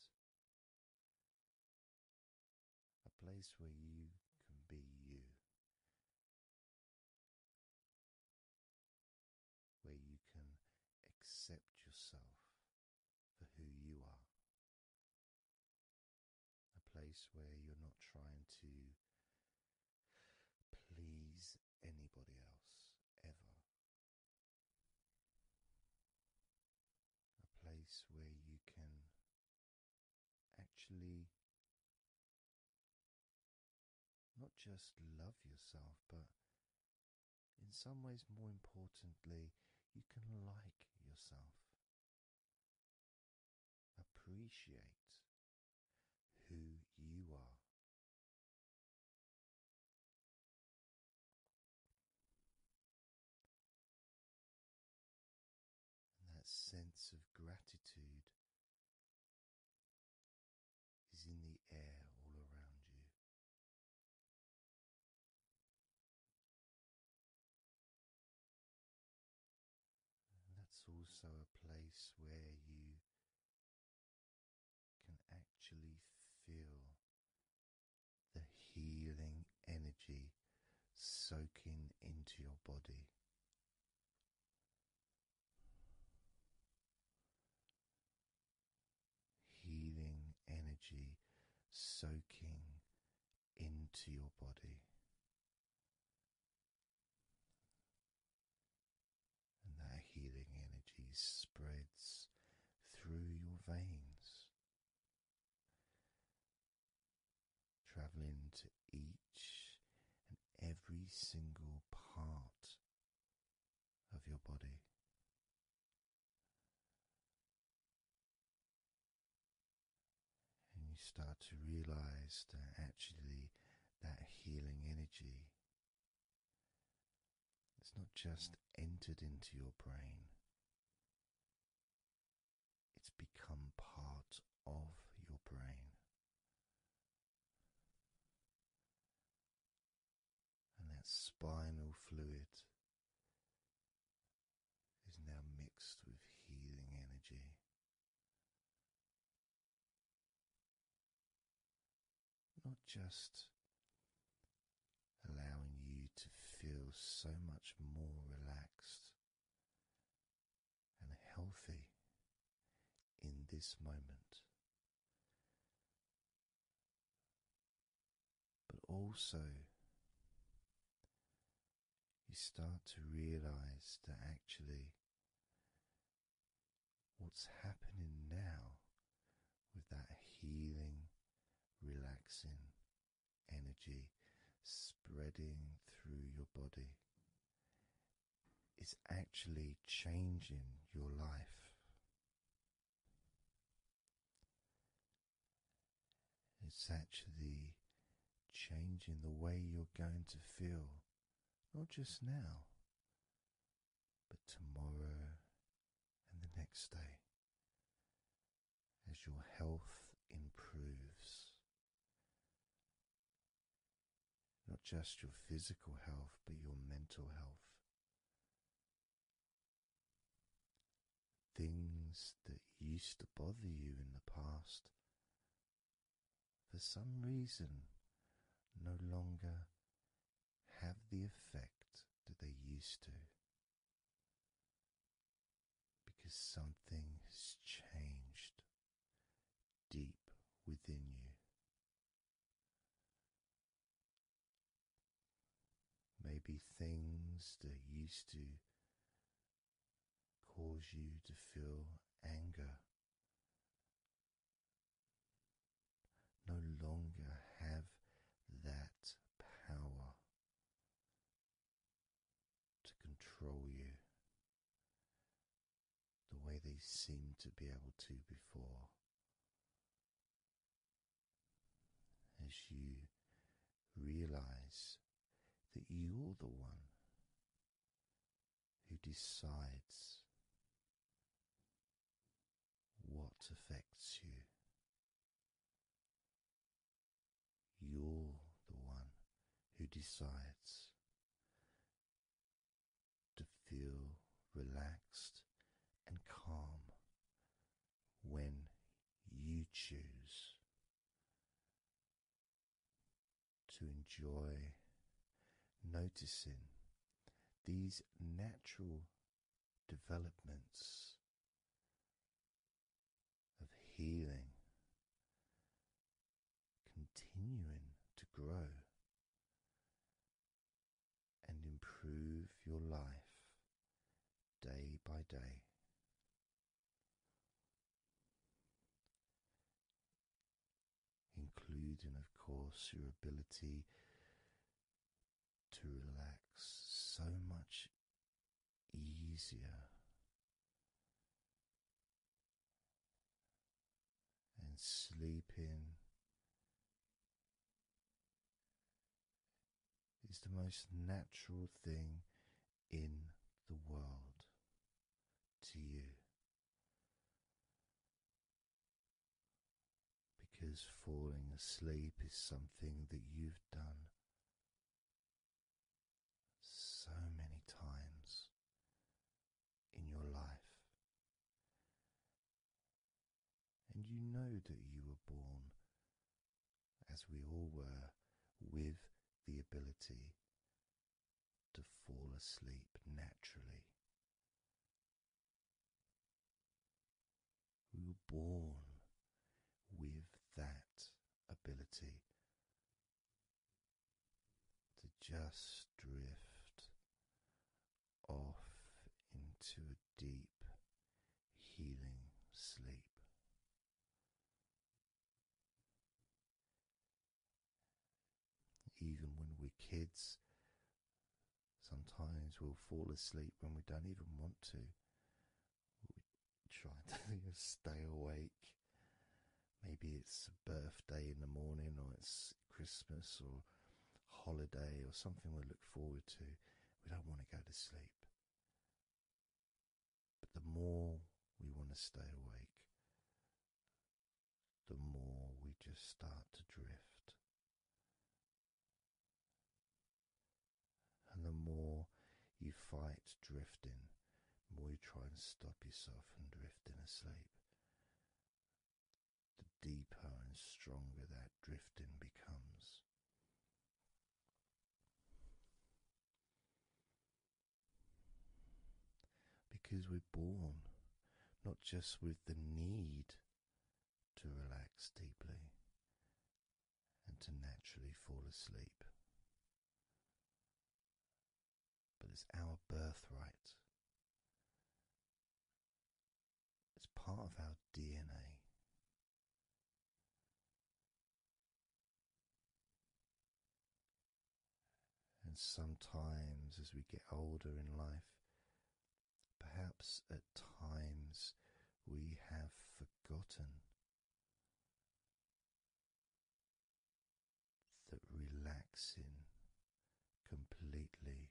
a place where you can be you, where you can accept yourself for who you are, a place where you're not trying to please anybody else ever a place where you can actually not just love yourself, but in some ways, more importantly, you can like yourself, appreciate who you are that sense of gratitude is in the air all around you. that's also a place where you can actually feel the healing energy soaking into your body. Healing energy soaking into your body, and that healing energy spreads through your veins, traveling to each and every single part of your body. And you start to realize that actually that healing energy it's not just entered into your brain, it's become part of your brain. And that spinal fluid is now mixed with healing energy not just allowing you to feel so much more relaxed and healthy in this moment, but also. You start to realize that actually what's happening now with that healing, relaxing energy spreading through your body. It's actually changing your life. It's actually changing the way you're going to feel, not just now, but tomorrow and the next day as your health improves. Not just your physical health, but your mental health. Things that used to bother you in the past, for some reason, no longer have the effect that they used to because something has changed deep within you. Maybe things that used to cause you to feel anger no longer have that power to control you the way they seem to be able to before. As you realize that you're the one who decides what affects you you're the one who decides to feel relaxed and calm when you choose to enjoy noticing these natural developments of healing, continuing to grow and improve your life day by day. Including, of course, your ability to relax so much easier and sleeping is the most natural thing in the world to you because falling asleep is something that you've done so many times in your life. And you know that you were born, as we all were, with the ability to fall asleep naturally. We were born with that ability to just drift off into a deep, healing sleep. Even when we're kids, sometimes we'll fall asleep when we don't even want to. trying to stay awake. Maybe it's a birthday in the morning, or it's Christmas, or holiday, or something we look forward to. We don't want to go to sleep. But the more we want to stay awake, the more we just start to drift. And the more you fight drifting, the more you try and stop yourself from drifting asleep, the deeper and stronger that drifting becomes. Because we're born not just with the need to relax deeply and to naturally fall asleep. But it's our birthright, it's part of our DNA. And sometimes, as we get older in life, perhaps at times we have Gotten that relaxing completely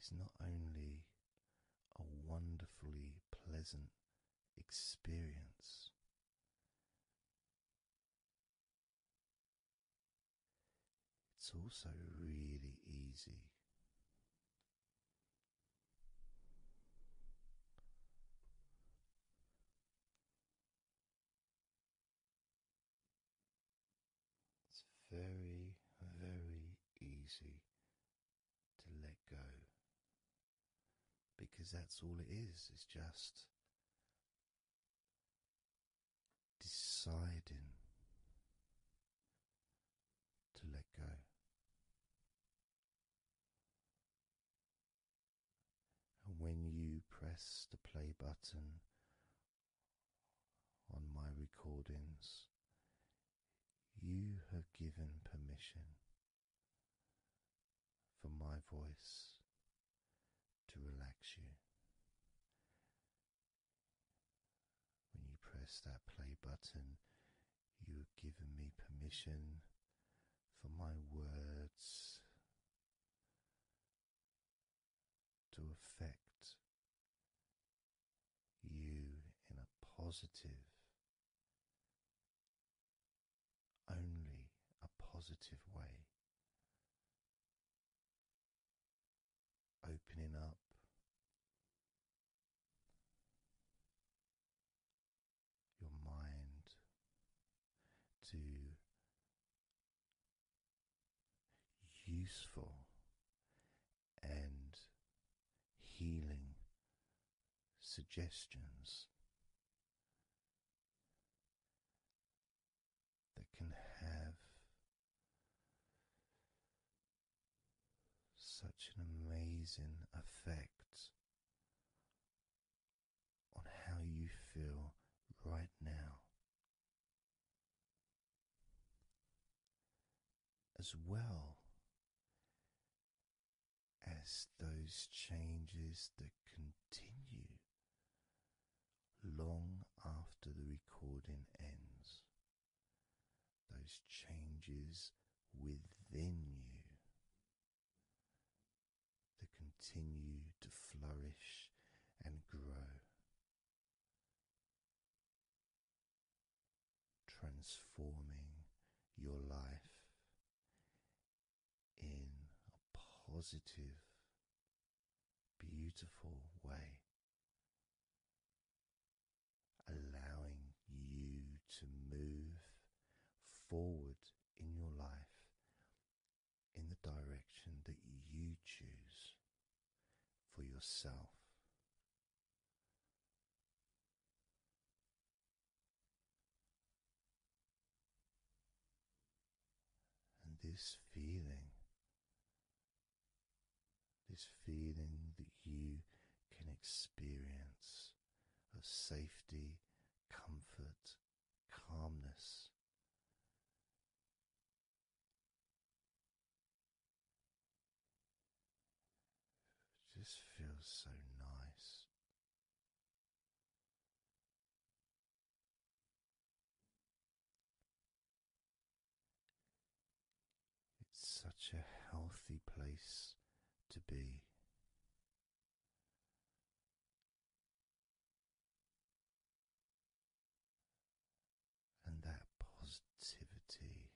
is not only a wonderfully pleasant experience. It's also really easy it's very, very easy to let go because that's all it is, it's just deciding to let go. And when you press the play button on my recordings, you have given permission for my voice to relax you when you press that play button, you have given me permission for my words to affect you in a positive, only a positive way. Opening up your mind to useful and healing suggestions that can have such an amazing effect on how you feel right now, as well as those changes that continue long after the recording ends those changes within you that continue to flourish and grow, transforming your life in a positive, beautiful way allowing you to move forward in your life in the direction that you choose for yourself. And this feeling, this feeling that you can experience of safety, comfort, calmness. just feels so nice. It's such a healthy place to be. And that positivity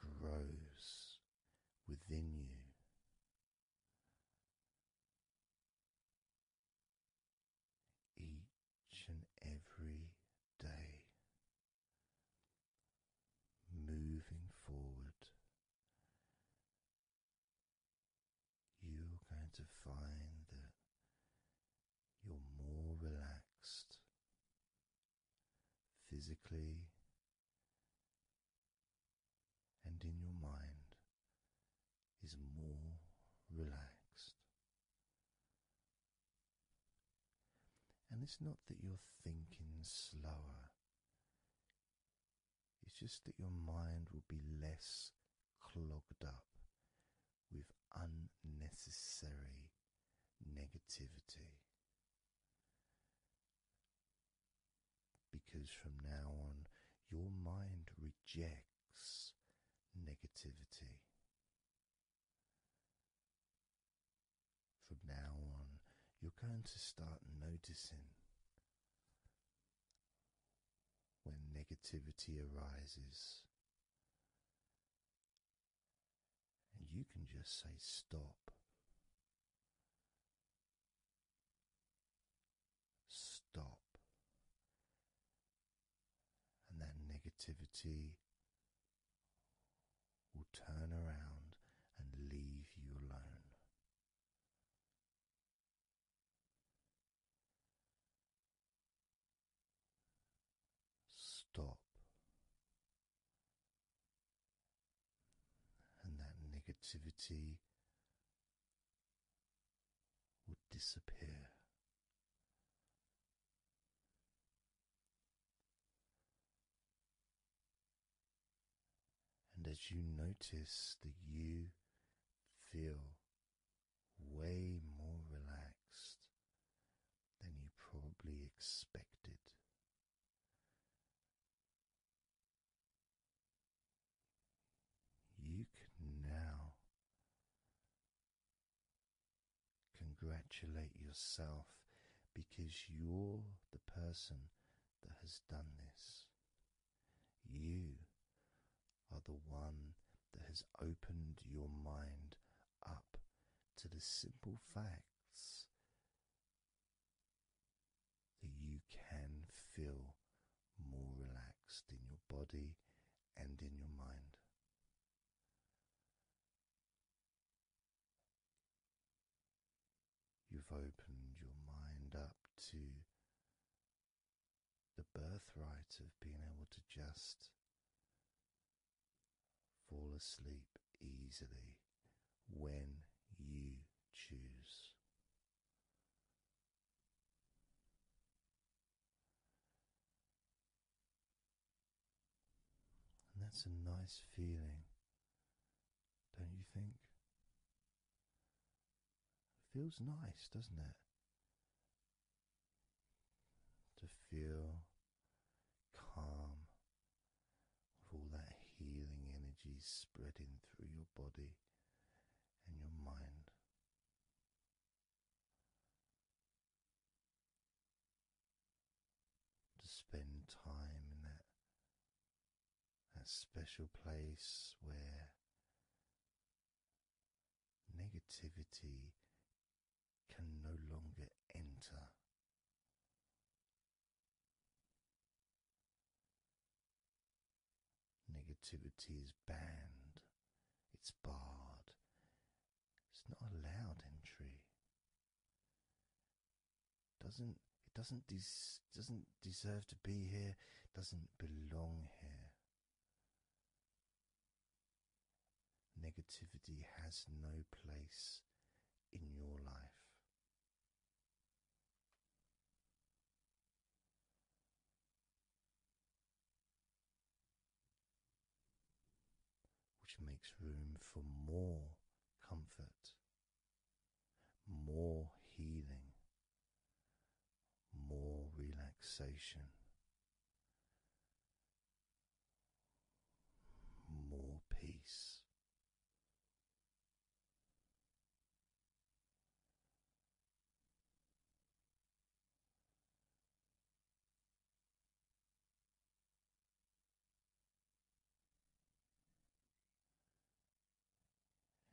grows within you. Each and every day, moving forward you're going to find that you're more relaxed physically and in your mind is more relaxed. And it's not that you're thinking slower it's just that your mind will be less clogged up with unnecessary negativity. Because from now on, your mind rejects negativity. From now on, you're going to start noticing when negativity arises. And you can just say stop. Stop. And that negativity will turn around and leave you alone. Stop. And that negativity would disappear. And as you notice that you feel way more relaxed than you probably expected, you can now congratulate yourself because you're the person that has done this. You are the one that has opened your mind up to the simple facts that you can feel more relaxed in your body and in your mind. You've opened your mind up to the birthright of being able to just fall asleep easily when you choose. And that's a nice feeling don't you think? It feels nice, doesn't it? To feel calm with all that healing energy spreading through your body and your mind. To spend time in that that special place where negativity can no longer enter. Negativity is banned, it's barred, it's not allowed entry doesn't it doesn't des- doesn't deserve to be here, doesn't belong here. Negativity has no place in your life. Which makes room for more comfort more healing, more relaxation, more peace.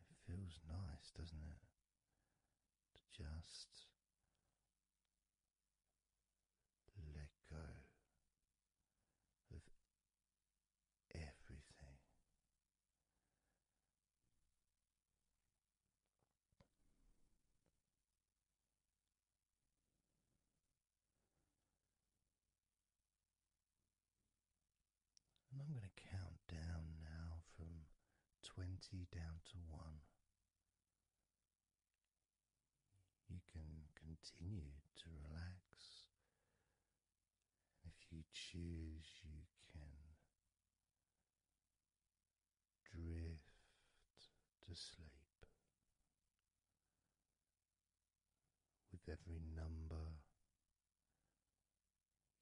It feels nice, doesn't it? To just let go of everything. And I'm going to count down now from 20 down to 1. You can continue to relax. And if you choose, you can drift to sleep. With every number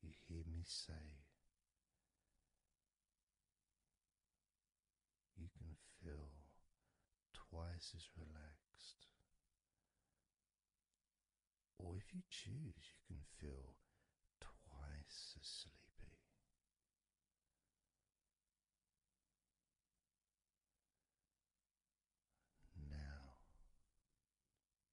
you hear me say, you can feel twice as relaxed. Or if you choose, you can feel twice as sleepy. Now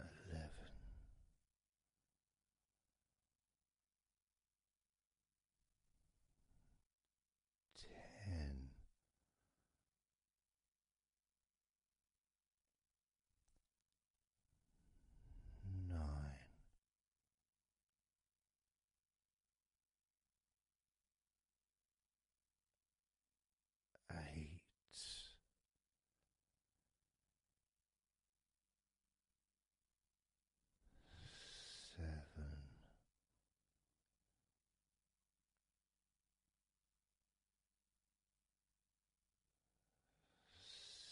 eleven. Ten, nine, eight. Seven,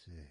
six,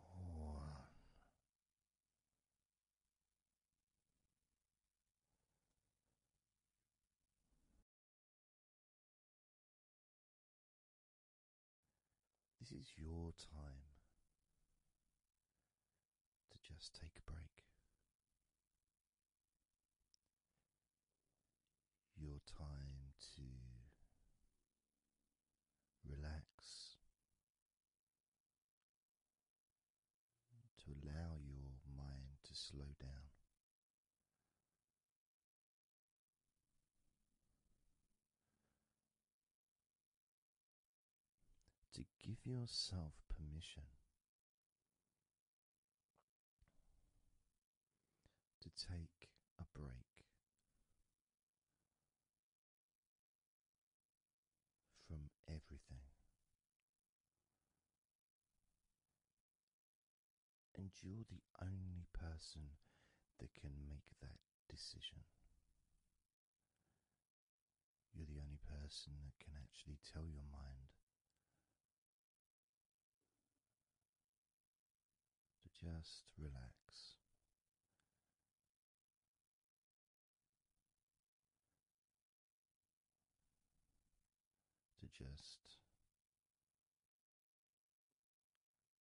One. This is your time to just take a break your time to relax, to allow your mind to slow down. To give yourself permission to take a break from everything and you're the only person that can make that decision. You're the only person that can actually tell your mind to just relax. To just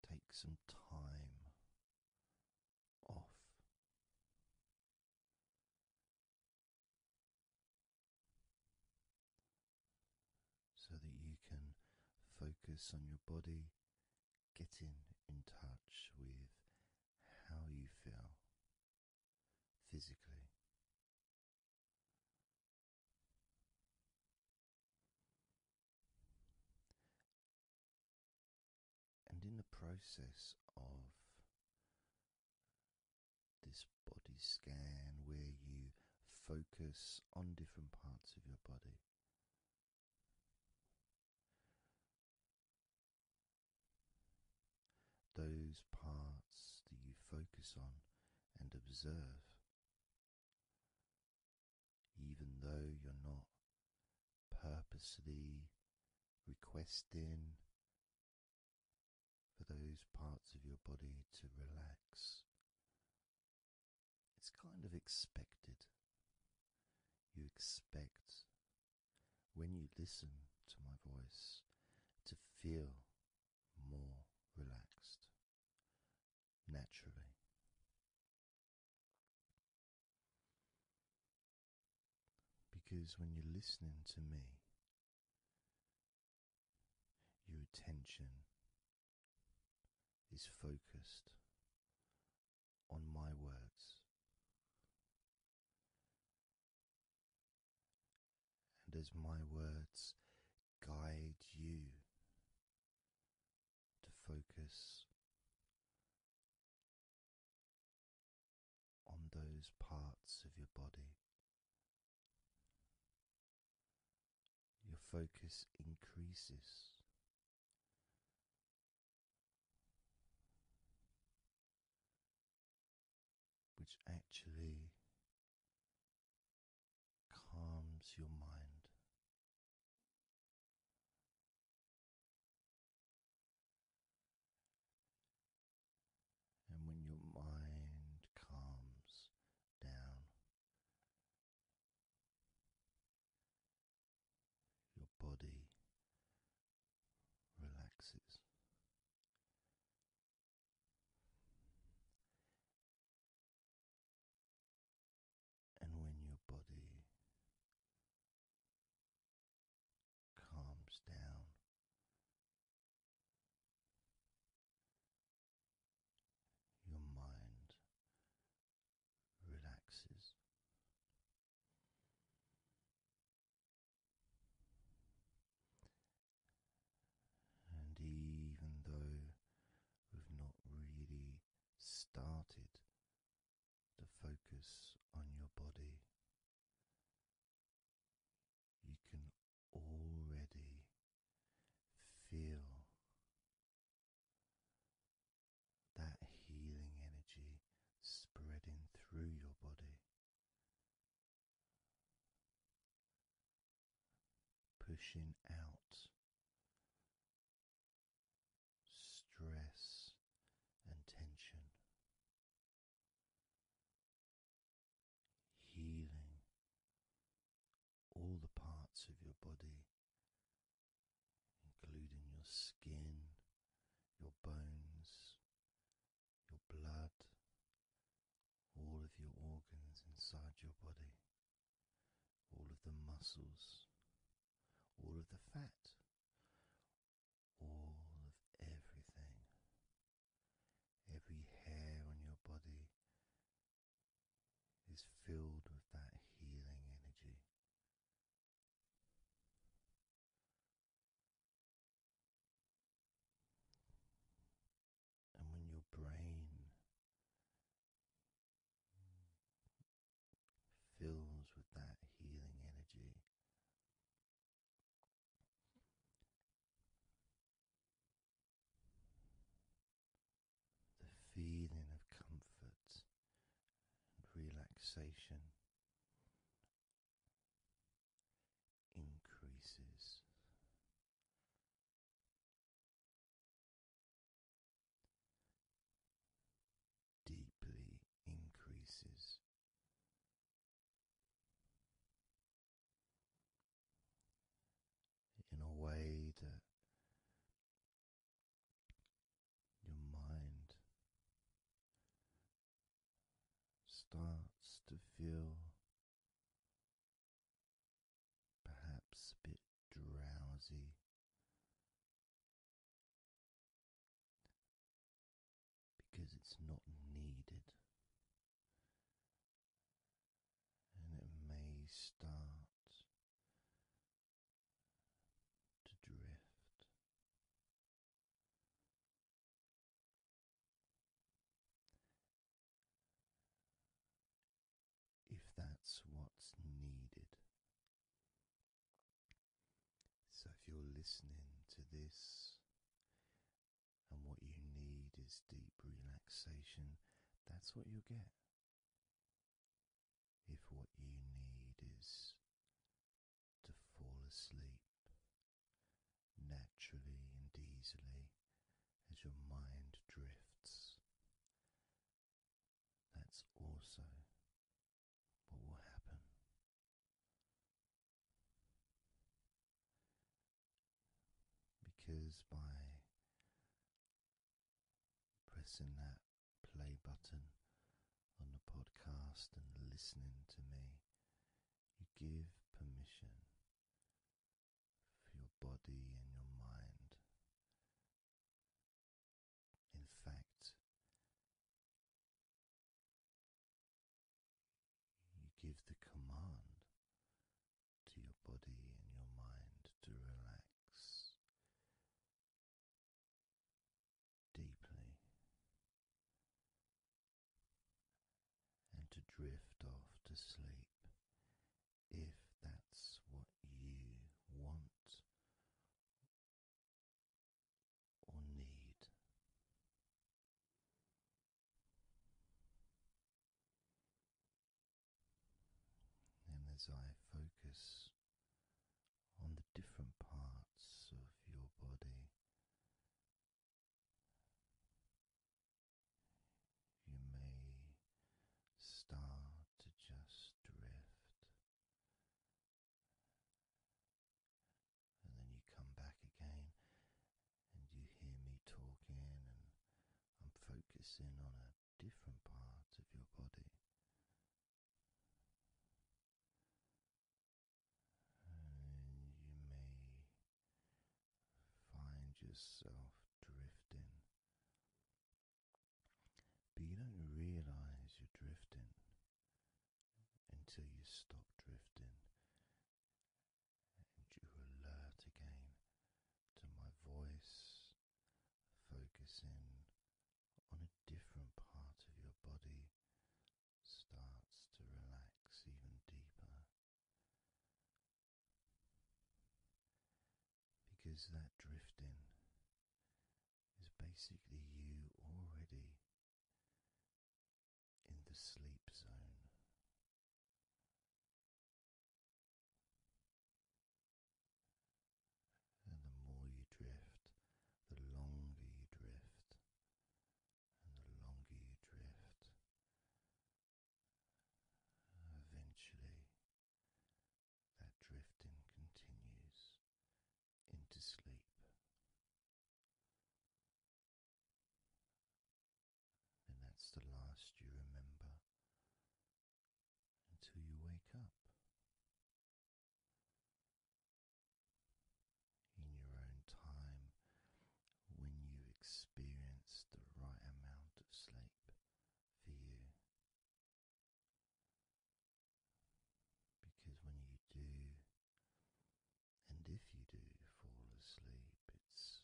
take some time off so that you can focus on your body, getting in touch with how you feel physically. And in the process of this body scan where you focus on different parts of your body. Those parts that you focus on and observe, even though you're not purposely requesting for those parts of your body to relax. It's kind of expected. You expect, when you listen to my voice, to feel more relaxed naturally. Because when you're listening to me, your attention is focused on my words. And as my words guide you to focus on those parts of your body your focus increases. Which actually calms your mind. And when your mind calms down, your body relaxes. And when your body calms down, your mind relaxes. And even though we've not really started to focus on your body, you can already feel that healing energy spreading through your body, pushing out stress and tension healing all the parts of your body, including your skin, your bones, your blood, all of your organs inside your body, all of the muscles, all of the fat. All of everything, every hair on your body, is filled with that healing energy. And when your brain fills with that healing energy, the feeling of comfort and relaxation increases. Deeply increases in a way that your mind starts to feel perhaps a bit drowsy. Because it's not needed, and it may start to drift. If that's what's needed. So, if you're listening to this and what you need is deep relaxation, that's what you'll get if what you need is to fall asleep naturally and easily as your mind drifts. That's also what will happen. Because by pressing that play button on the podcast and listening to me, you give permission for your body and your mind. In fact, you give the command to your body and your mind to relax deeply and to drift off to sleep if that's what you want or need. And as I focus on the different parts of your body, you may start to just drift, and then you come back again, and you hear me talking, and I'm focusing on a different parts of your body. you may find yourself drifting, but you don't realize you're drifting until you stop drifting and you alert again to my voice focusing on a different part of your body starts to relax even deeper. Because that drifting is basically you already in the sleep zone. And the more you drift, the longer you drift, and the longer you drift, eventually that drifting continues into sleep. And that's the last you remember until you wake up in your own time when you experience the right amount of sleep for you. Because when you do, and if you do fall asleep, it's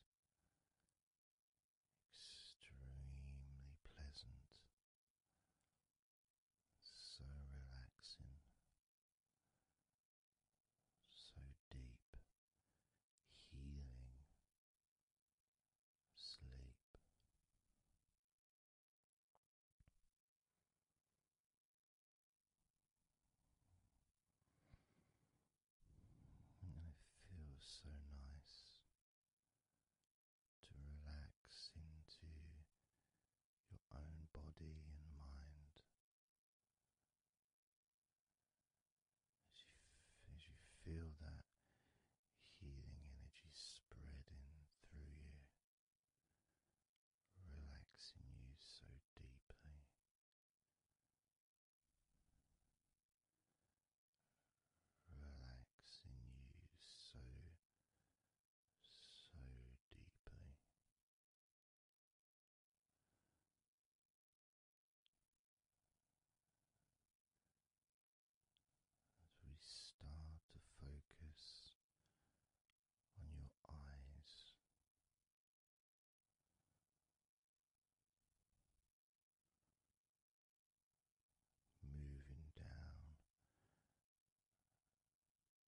extremely pleasant, so relaxing, so deep, healing sleep. And it feels so nice to relax into your own body and mind as you, as you feel that healing energy spreading through you, relaxing you so deeply relaxing you so, so deeply. As we start to focus on your eyes, moving down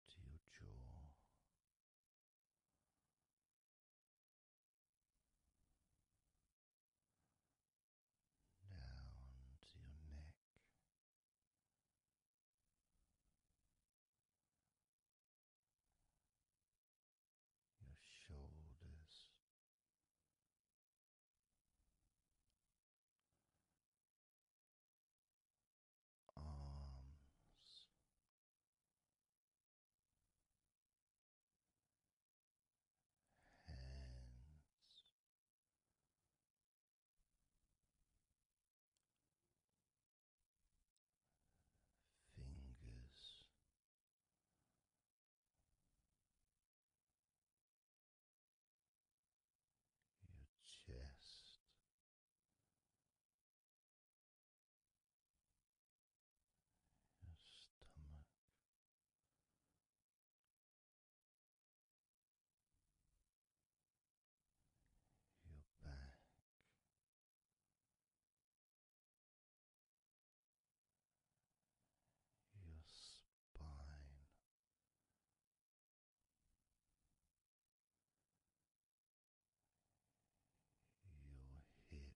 to your jaw. Down to your neck, your shoulders, arms. Um, hands, fingers, your chest. Your stomach, your back, your spine your hips your legs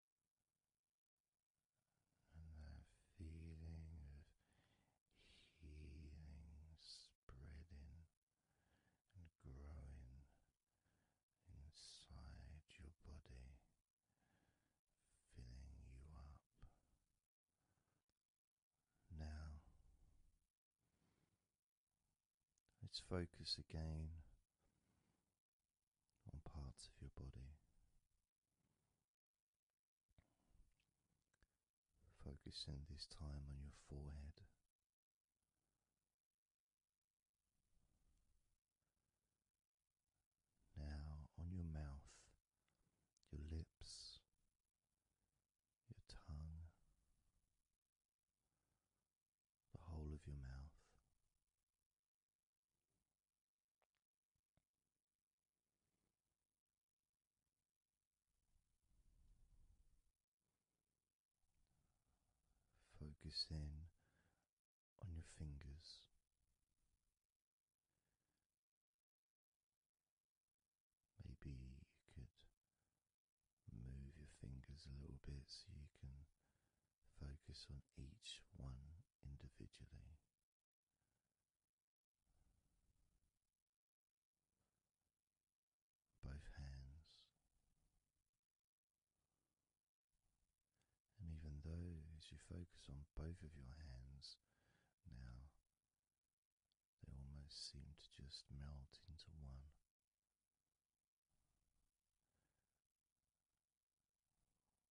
and that feeling of healing spreading and growing inside your body, filling you up. Now, let's focus again on parts of your body. Focusing this time on your forehead. Now on your mouth, your lips, your tongue, the whole of your mouth. Focus in on your fingers. Maybe you could move your fingers a little bit so you can Focus on each one individually. Both hands. And even though, as you focus on both of your hands now, they almost seem to just melt into one.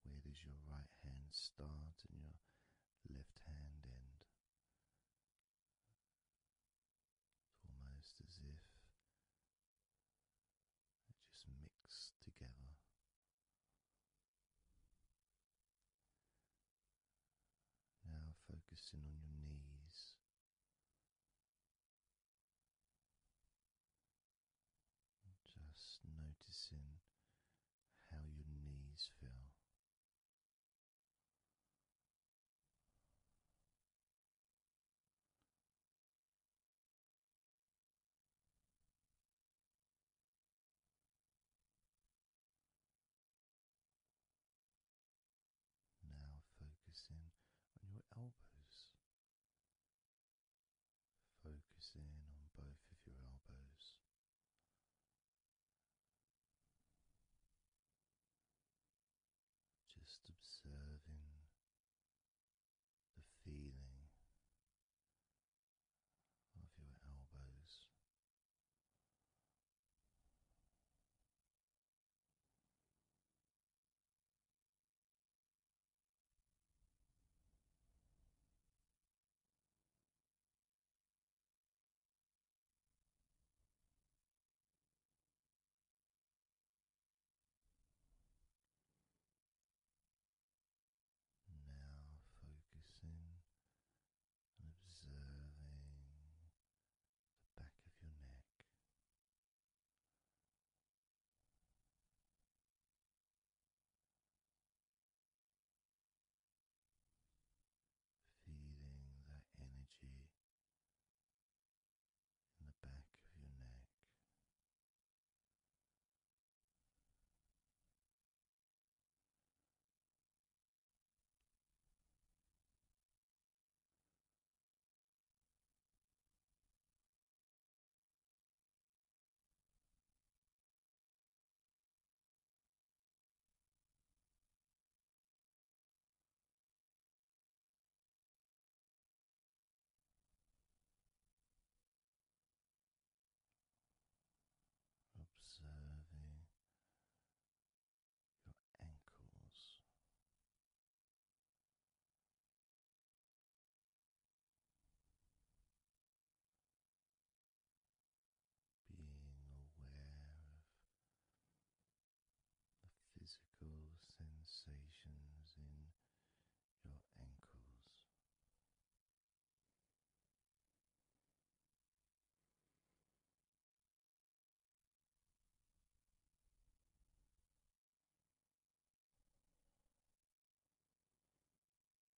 Where does your right hand start and your left hand end? It's almost as if they just mix together. Now focusing on your knees. Just noticing how your knees feel. Now focusing on your elbows Focus in on both of your elbows. Just observing the feeling of your elbows. Now focusing and observing the back of your neck. Feeling that energy in the back of your neck. Observing your ankles, being aware of the physical sensations in your ankles.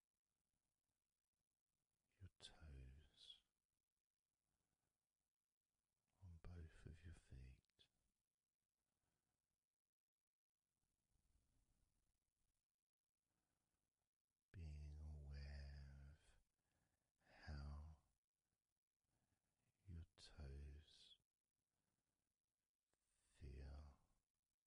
your toes, on both of your feet. Being aware of how your toes feel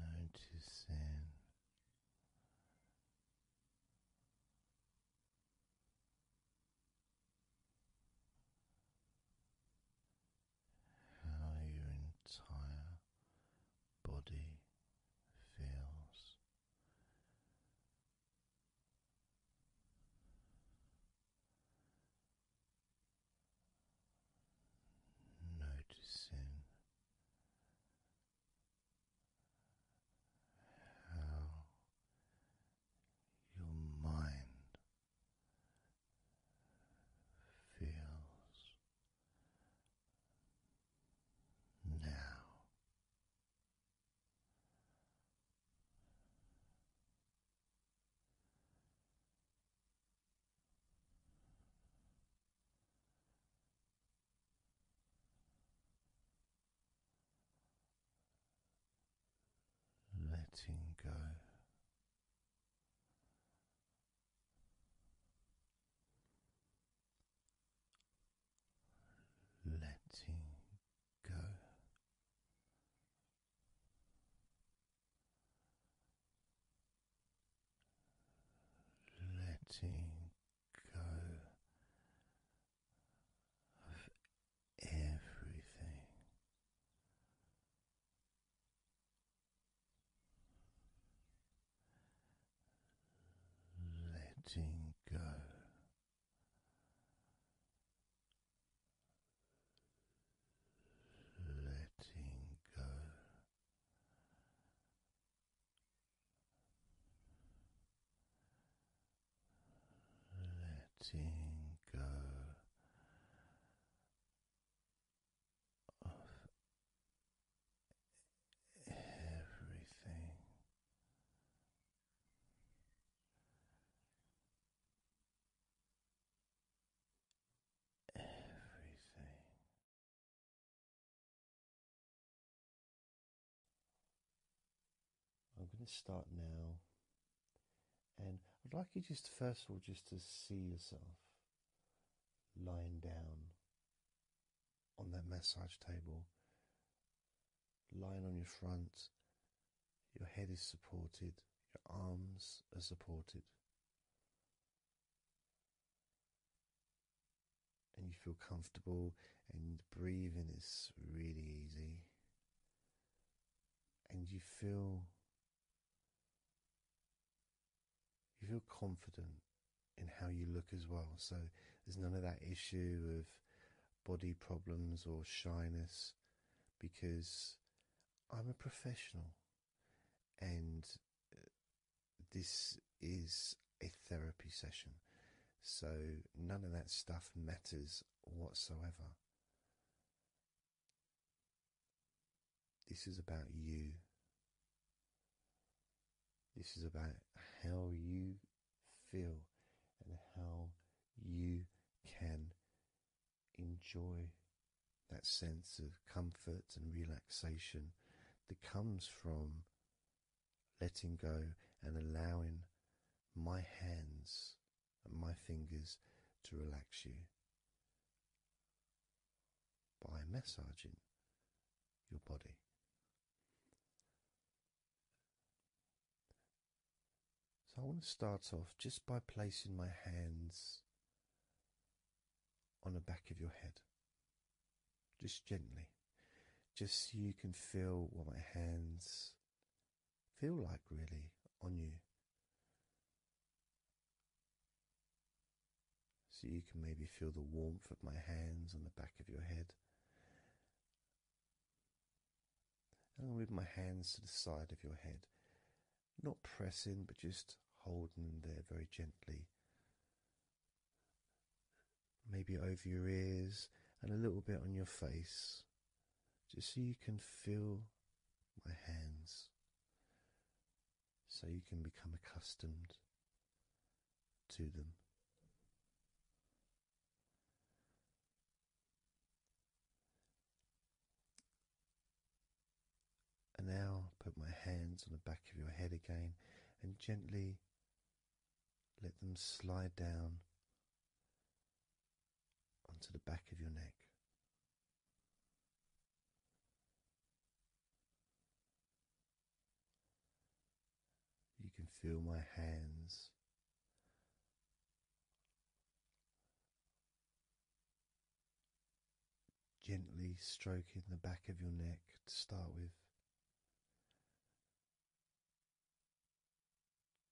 Noticing how your entire body feels Noticing how your mind feels now. Letting go. Letting go, letting go of everything. Letting go letting go. Letting go of everything, everything. I'm going to start now, and I'd like you just first of all just to see yourself lying down on that massage table lying on your front, your head is supported, your arms are supported, and you feel comfortable, and breathing is really easy, and you feel. You feel confident in how you look as well. So there's none of that issue of body problems or shyness because I'm a professional and uh, this is a therapy session. So none of that stuff matters whatsoever. This is about you. This is about how you feel and how you can enjoy that sense of comfort and relaxation that comes from letting go and allowing my hands and my fingers to relax you by massaging your body. So I want to start off just by placing my hands on the back of your head, just gently, just so you can feel what my hands feel like really on you. So you can maybe feel the warmth of my hands on the back of your head. And I'll move my hands to the side of your head. Not pressing, but just holding them there very gently. Maybe over your ears and a little bit on your face, just so you can feel my hands, so you can become accustomed to them. And now put my hands on the back of your head again and gently let them slide down onto the back of your neck. You can feel my hands Gently stroking the back of your neck to start with,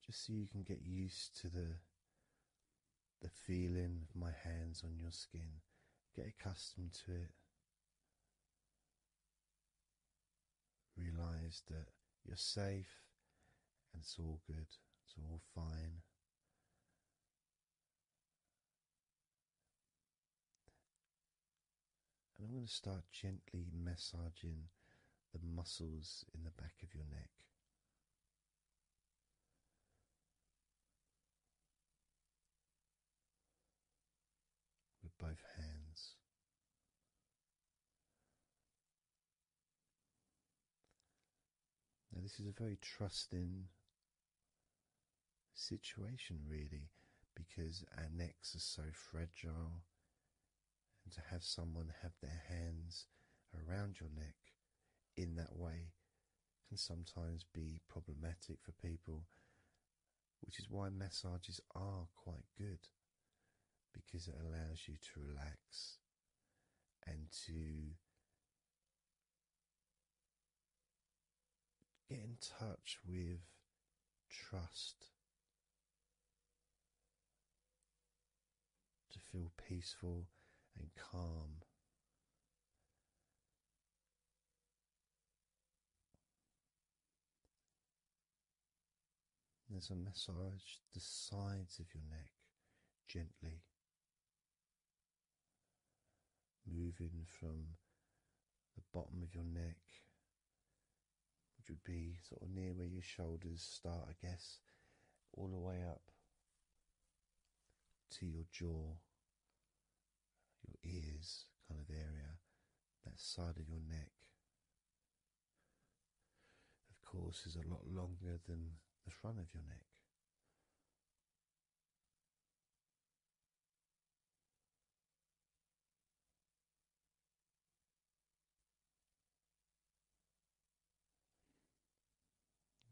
just so you can get used to the the feeling of my hands on your skin, get accustomed to it. Realize that you're safe and it's all good, it's all fine. And I'm going to start gently massaging the muscles in the back of your neck. With both hands, now, this is a very trusting situation, really, because our necks are so fragile, and to have someone have their hands around your neck in that way can sometimes be problematic for people, which is why massages are quite good because it allows you to relax and to get in touch with trust, to feel peaceful and calm. There's a massage the sides of your neck gently moving from the bottom of your neck, which would be sort of near where your shoulders start, I guess, all the way up to your jaw, your ears kind of area, that side of your neck of course, is a lot longer than the front of your neck.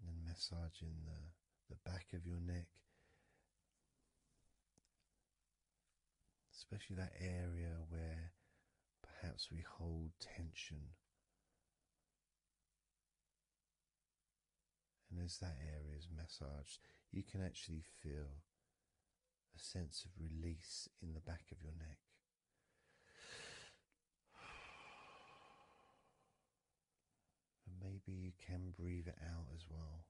And massaging the, the back of your neck, especially that area where perhaps we hold tension and as that area is massaged, you can actually feel a sense of release in the back of your neck. And maybe you can breathe it out as well.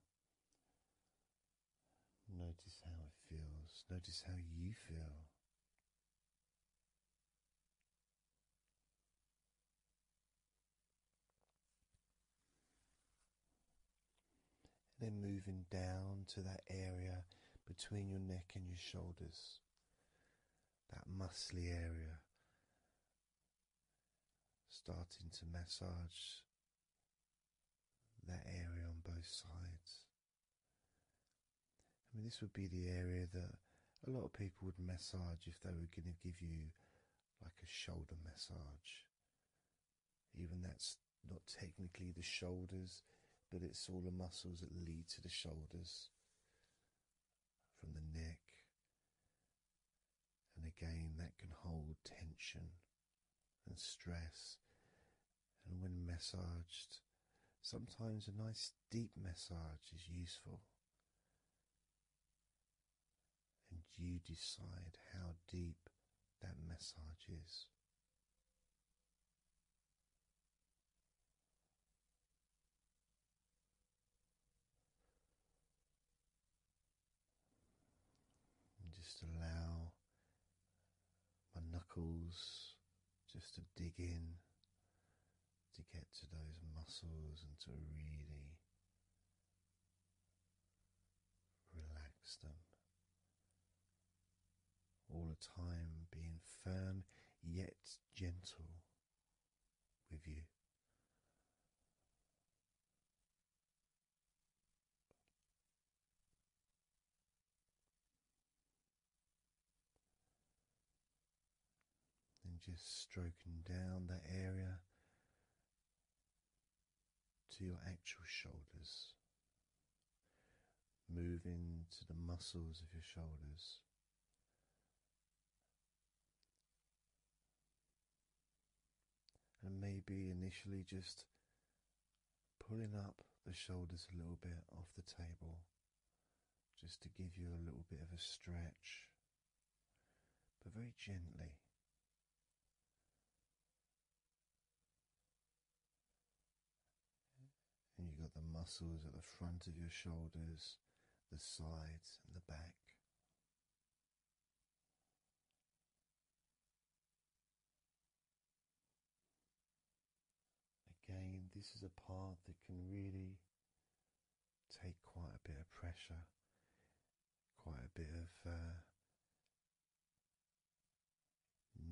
Notice how it feels, notice how you feel then moving down to that area between your neck and your shoulders, that muscly area, starting to massage that area on both sides. I mean, this would be the area that a lot of people would massage if they were going to give you like a shoulder massage. Even that's not technically the shoulders, but it's all the muscles that lead to the shoulders from the neck. And again, that can hold tension and stress. And when massaged, sometimes a nice deep massage is useful and you decide how deep that massage is. just allow my knuckles just to dig in to get to those muscles and to really relax them. All the time being firm yet gentle with you. And just stroking down that area to your actual shoulders, moving to the muscles of your shoulders. And maybe initially just pulling up the shoulders a little bit off the table just to give you a little bit of a stretch, but very gently. And you've got the muscles at the front of your shoulders, the sides, and the back. Again, this is a part that can really take quite a bit of pressure, quite a bit of uh,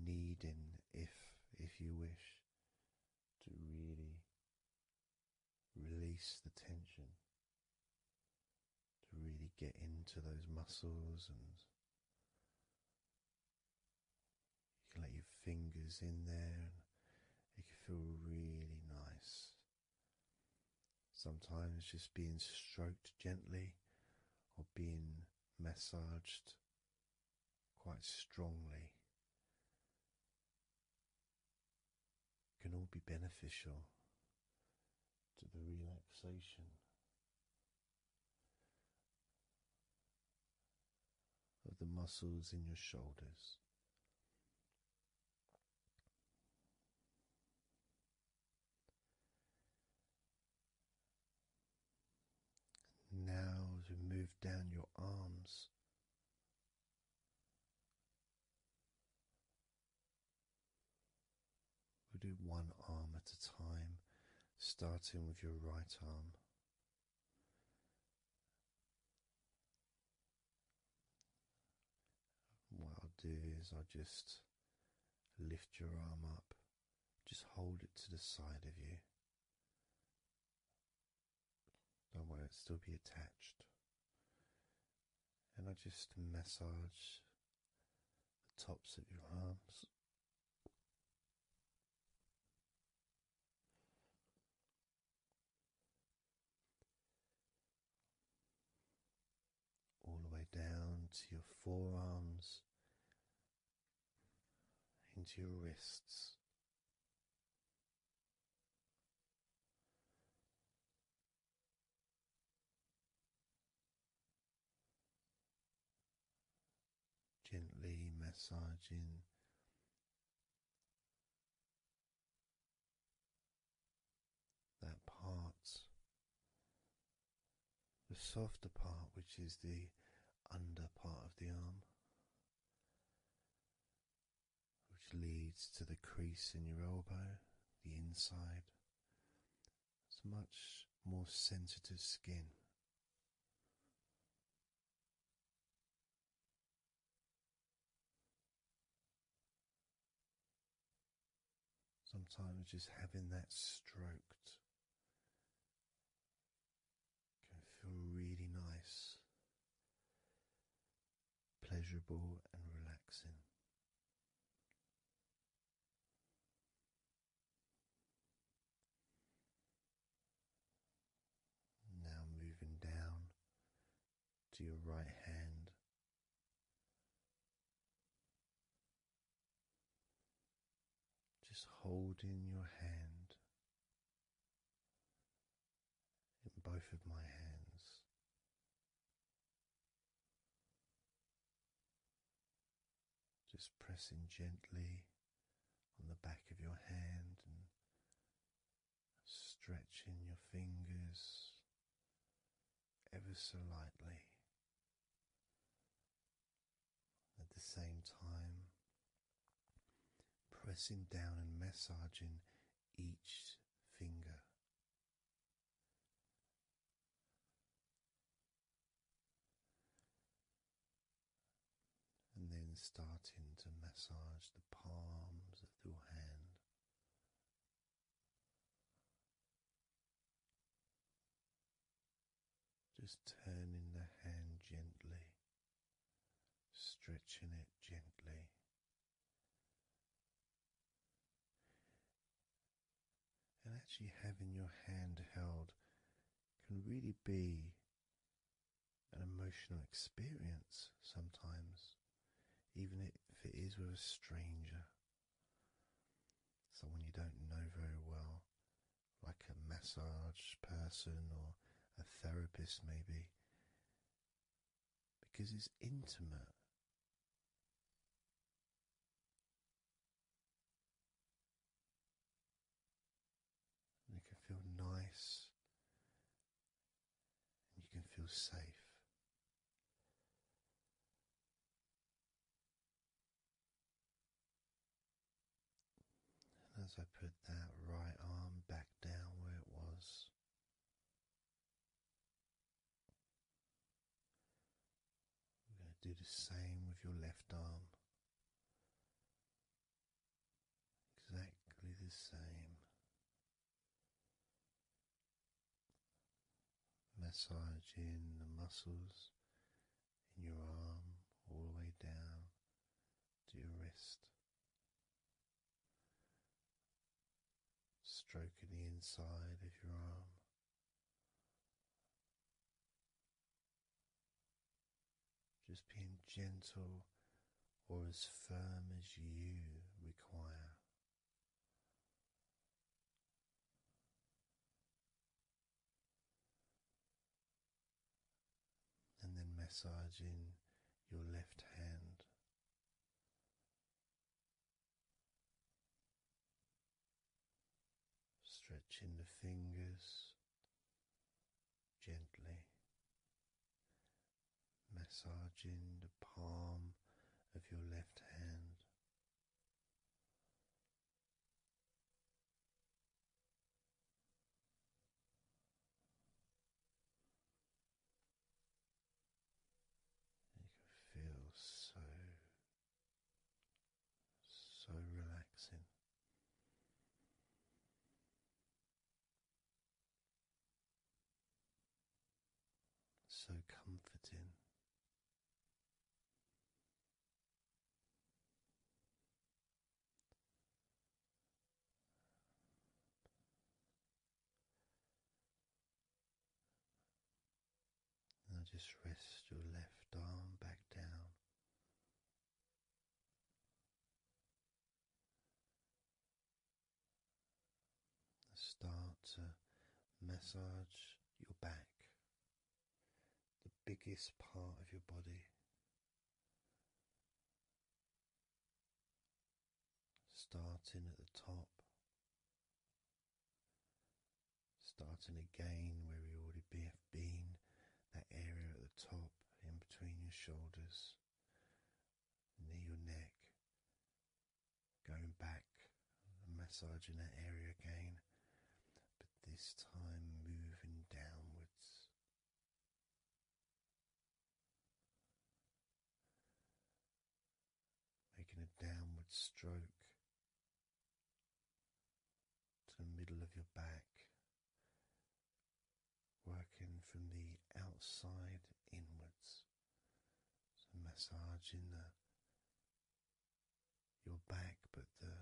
needing, if if you wish, to really release the tension, to really get into those muscles and. You can let your fingers in there and it can feel really nice. Sometimes just being stroked gently or being massaged quite strongly can all be beneficial to the relaxation of the muscles in your shoulders. Now, as we move down your arms, we'll do one arm at a time, starting with your right arm. What I'll do is I'll just lift your arm up, just hold it to the side of you. Don't worry, it'll still be attached. And I just massage the tops of your arms all the way down to your forearms, into your wrists. Gently massaging that part, the softer part, which is the under part of the arm, which leads to the crease in your elbow, the inside. It's much more sensitive skin. Sometimes just having that stroked can feel really nice, pleasurable, and relaxing. Now moving down to your right hand. Just hold in your hand in both of my hands. Just pressing gently on the back of your hand and stretching your fingers ever so lightly. At the same time, pressing down and massaging each finger. And then starting to massage the palms of your hand, just turning the hand gently, stretching it gently. And actually, having your hand held can really be an emotional experience sometimes, even if it is with a stranger, someone you don't know very well, like a massage person or a therapist, maybe, because it's intimate. it can feel nice you can feel safe. as I put that right arm back down where it was, we're going to do the same with your left arm. Exactly the same. Massaging the muscles in your arm all the way down to your wrist. Stroking the inside of your arm. Just being gentle or as firm as you require. And then massaging your left hand. Stretching the fingers gently massaging the palm of your left hand. You can feel so, so relaxing so comforting. Now just rest your left arm back down. Start to massage your back, the biggest part of your body. Starting at the top, starting again where we already have been, that area at the top, in between your shoulders, near your neck, Going back, massaging that area again, but this time moving downwards. Making a downward stroke to the middle of your back, working from the outside inwards massage in the your back, but the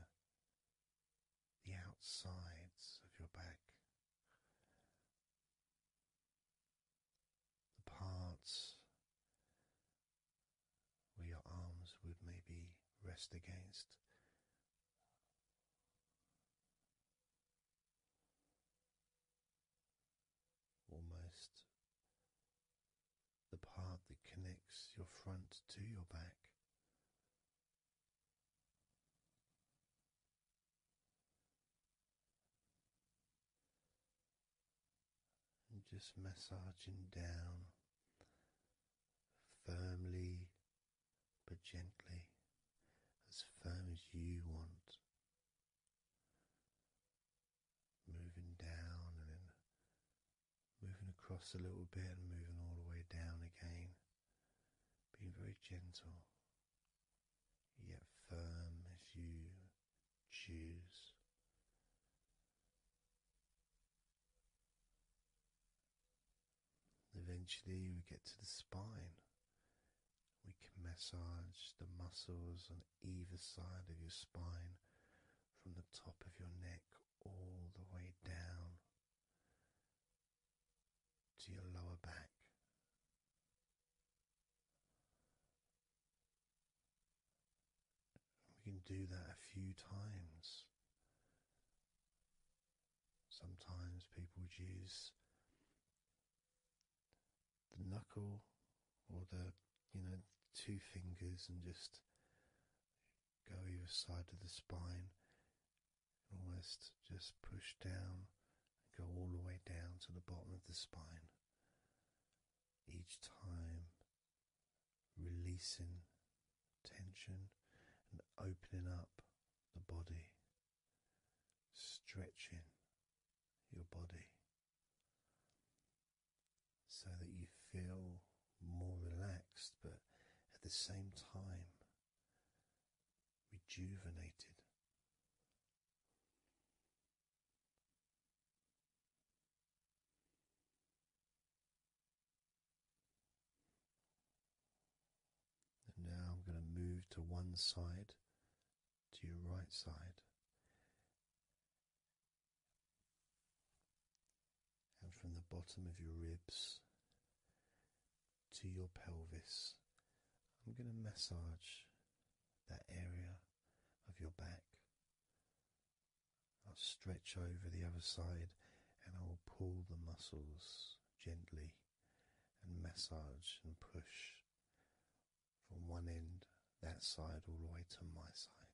the outsides of your back, the parts where your arms would maybe rest against almost the part that connects your front to your back. And just massaging down firmly but gently, as firm as you want moving down and then moving across a little bit and moving all the way down again, being very gentle yet firm as you choose. Eventually, we get to the spine, we can massage the muscles on either side of your spine from the top of your neck all the way down to your lower back. We can do that a few times. Sometimes people use the knuckle or the you know two fingers and just go either side of the spine and almost just push down and go all the way down to the bottom of the spine each time releasing tension and opening up the body stretching your body so that you feel more relaxed, but at the same time rejuvenated. now I'm going to move to one side to your right side, and from the bottom of your ribs to your pelvis. I'm going to massage that area of your back. I'll stretch over the other side and I will pull the muscles gently and massage and push from one end, that side, all the way to my side,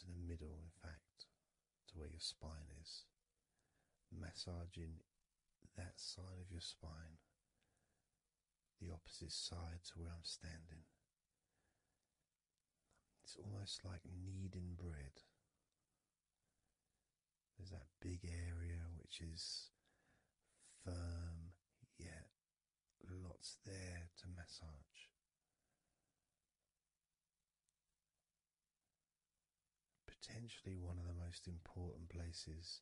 to the middle, in fact, to where your spine is, massaging that side of your spine, the opposite side to where I'm standing. It's almost like kneading bread. There's that big area which is firm yet lots there to massage. Potentially one of the most important places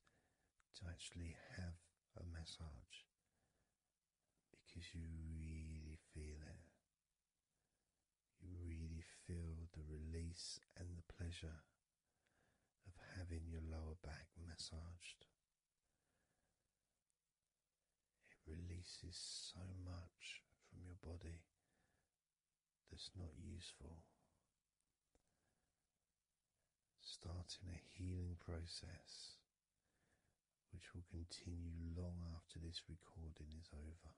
to actually have a massage because you really feel it. You really feel the release and the pleasure of having your lower back massaged. It releases so much from your body that's not useful. Starting a healing process which will continue long after this recording is over.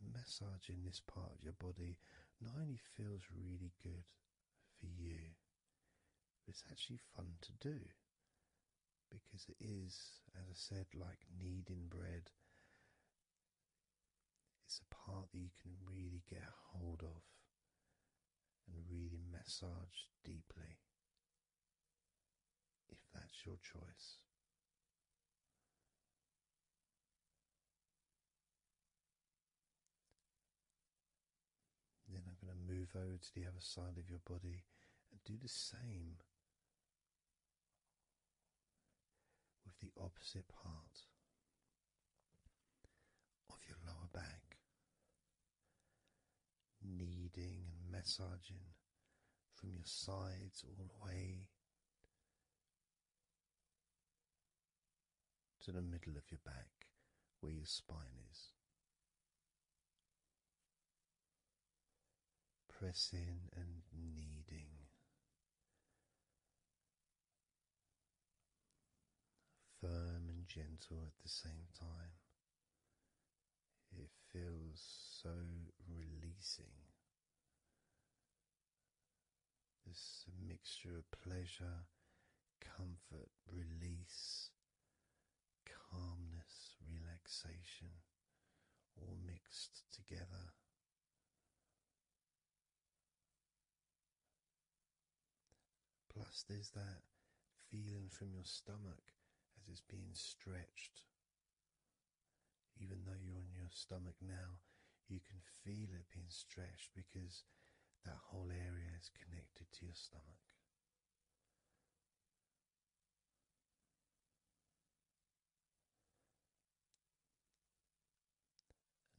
And massaging this part of your body not only feels really good for you, but it's actually fun to do because it is, as I said, like kneading bread. It's a part that you can really get hold of and really massage deeply if that's your choice. Then I'm going to move over to the other side of your body and do the same with the opposite part of your lower back kneading and massaging from your sides all the way to the middle of your back where your spine is. Pressing and kneading. Firm and gentle at the same time, it feels so releasing. It's a mixture of pleasure, comfort, release, calmness, relaxation, all mixed together. Plus, there's that feeling from your stomach as it's being stretched even though you're on your stomach now, you can feel it being stretched because that whole area is connected to your stomach.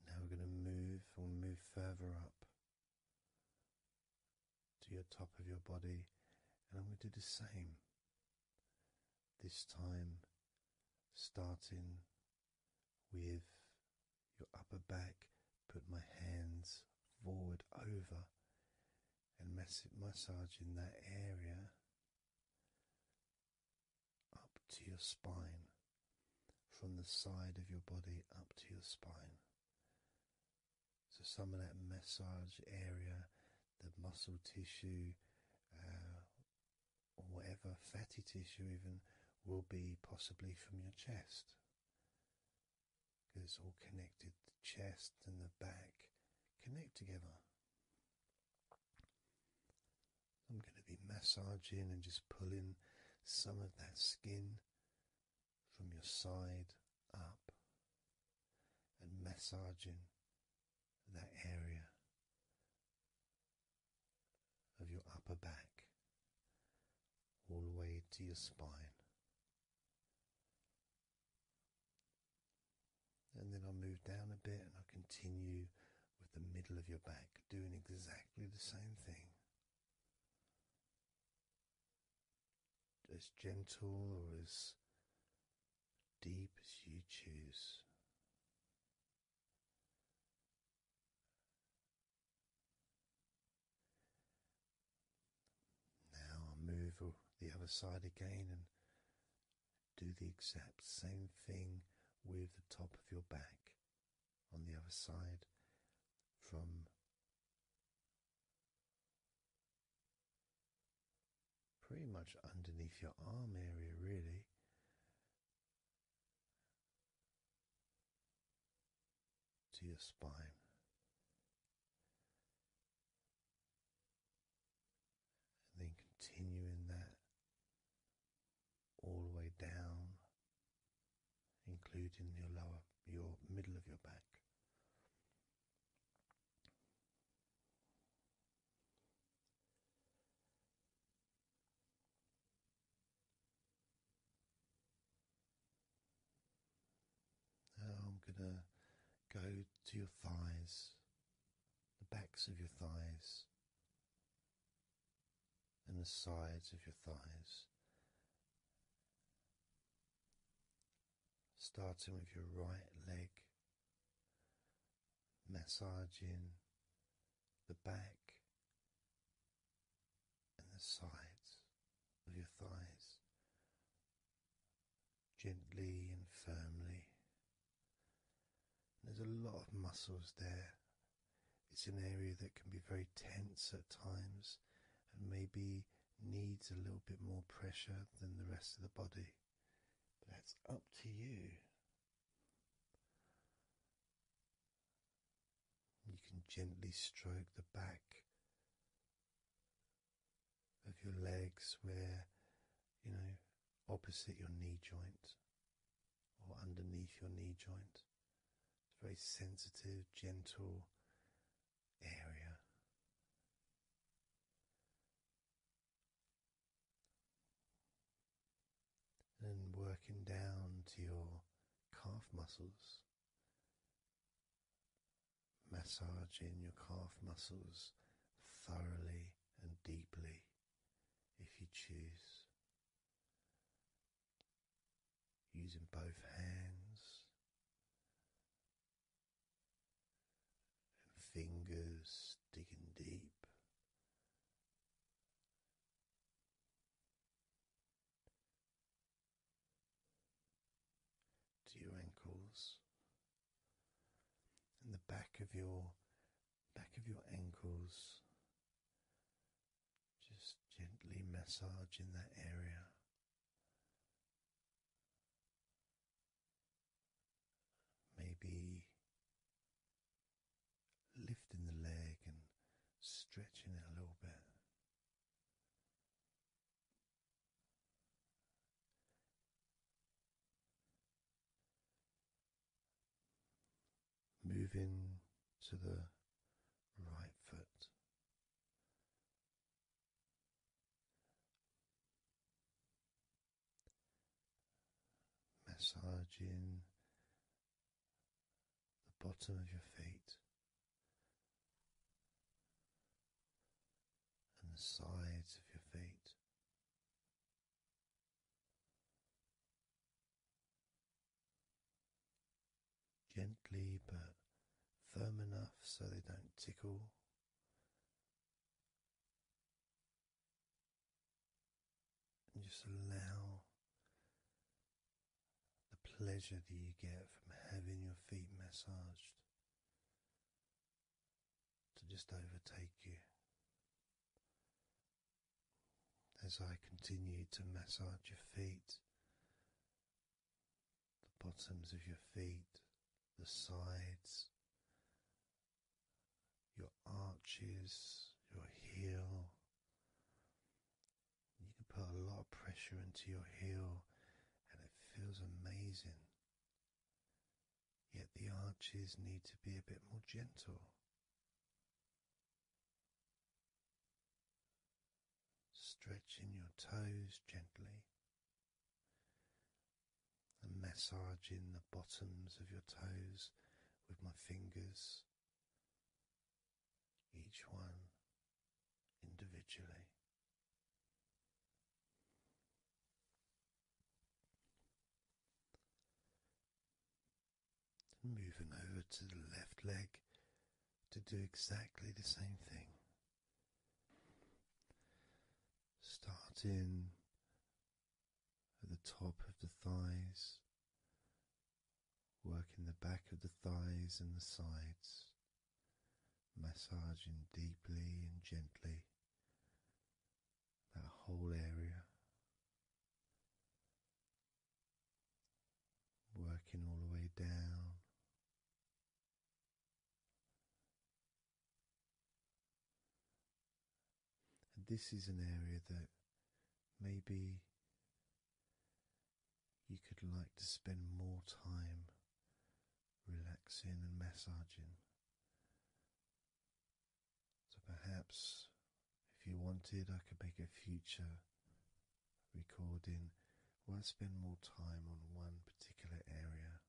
Now we're going to move, we move further up to your top of your body, and I'm going to do the same this time, starting with your upper back, put my hands forward over and mass massaging that area up to your spine, from the side of your body up to your spine. So some of that massage area, the muscle tissue, uh, or whatever fatty tissue even, will be possibly from your chest. Because it's all connected, the chest and the back connect together. I'm going to be massaging and just pulling some of that skin from your side up and massaging that area of your upper back all the way to your spine. And then I will move down a bit and I will continue with the middle of your back, doing exactly the same thing. As gentle or as deep as you choose. Now i move the other side again and do the exact same thing with the top of your back on the other side from pretty much underneath your arm area, really. To your spine. And then continuing that all the way down, including your lower, your middle of your back. I'm going to go to your thighs, the backs of your thighs, and the sides of your thighs starting with your right leg, massaging the back and the sides of your thighs gently and firmly. There's a lot of muscles there. It's an area that can be very tense at times and maybe needs a little bit more pressure than the rest of the body that's up to you. You can gently stroke the back of your legs where, you know, opposite your knee joint or underneath your knee joint. It's a very sensitive, gentle area and working down to your calf muscles, massaging your calf muscles thoroughly and deeply if you choose. Using both hands and fingers digging deep. To your ankles and the back of your back of your ankles, just gently massaging that area Maybe lifting the leg and stretching it a little bit. Moving to the right foot massaging the bottom of your feet and the sides of your feet. Gently but firm enough so they don't tickle and just allow the pleasure that you get from having your feet massaged to just overtake you. As I continue to massage your feet, the bottoms of your feet, the sides, your arches, your heel. You can put a lot of pressure into your heel and it feels amazing. Yet the arches need to be a bit more gentle. Stretching your toes gently, and massaging the bottoms of your toes with my fingers, each one individually. moving over to the left leg to do exactly the same thing. Starting at the top of the thighs, working the back of the thighs and the sides, massaging deeply and gently that whole area. Working all the way down this is an area that maybe you could like to spend more time relaxing and massaging. So perhaps if you wanted, I could make a future recording where I spend more time on one particular area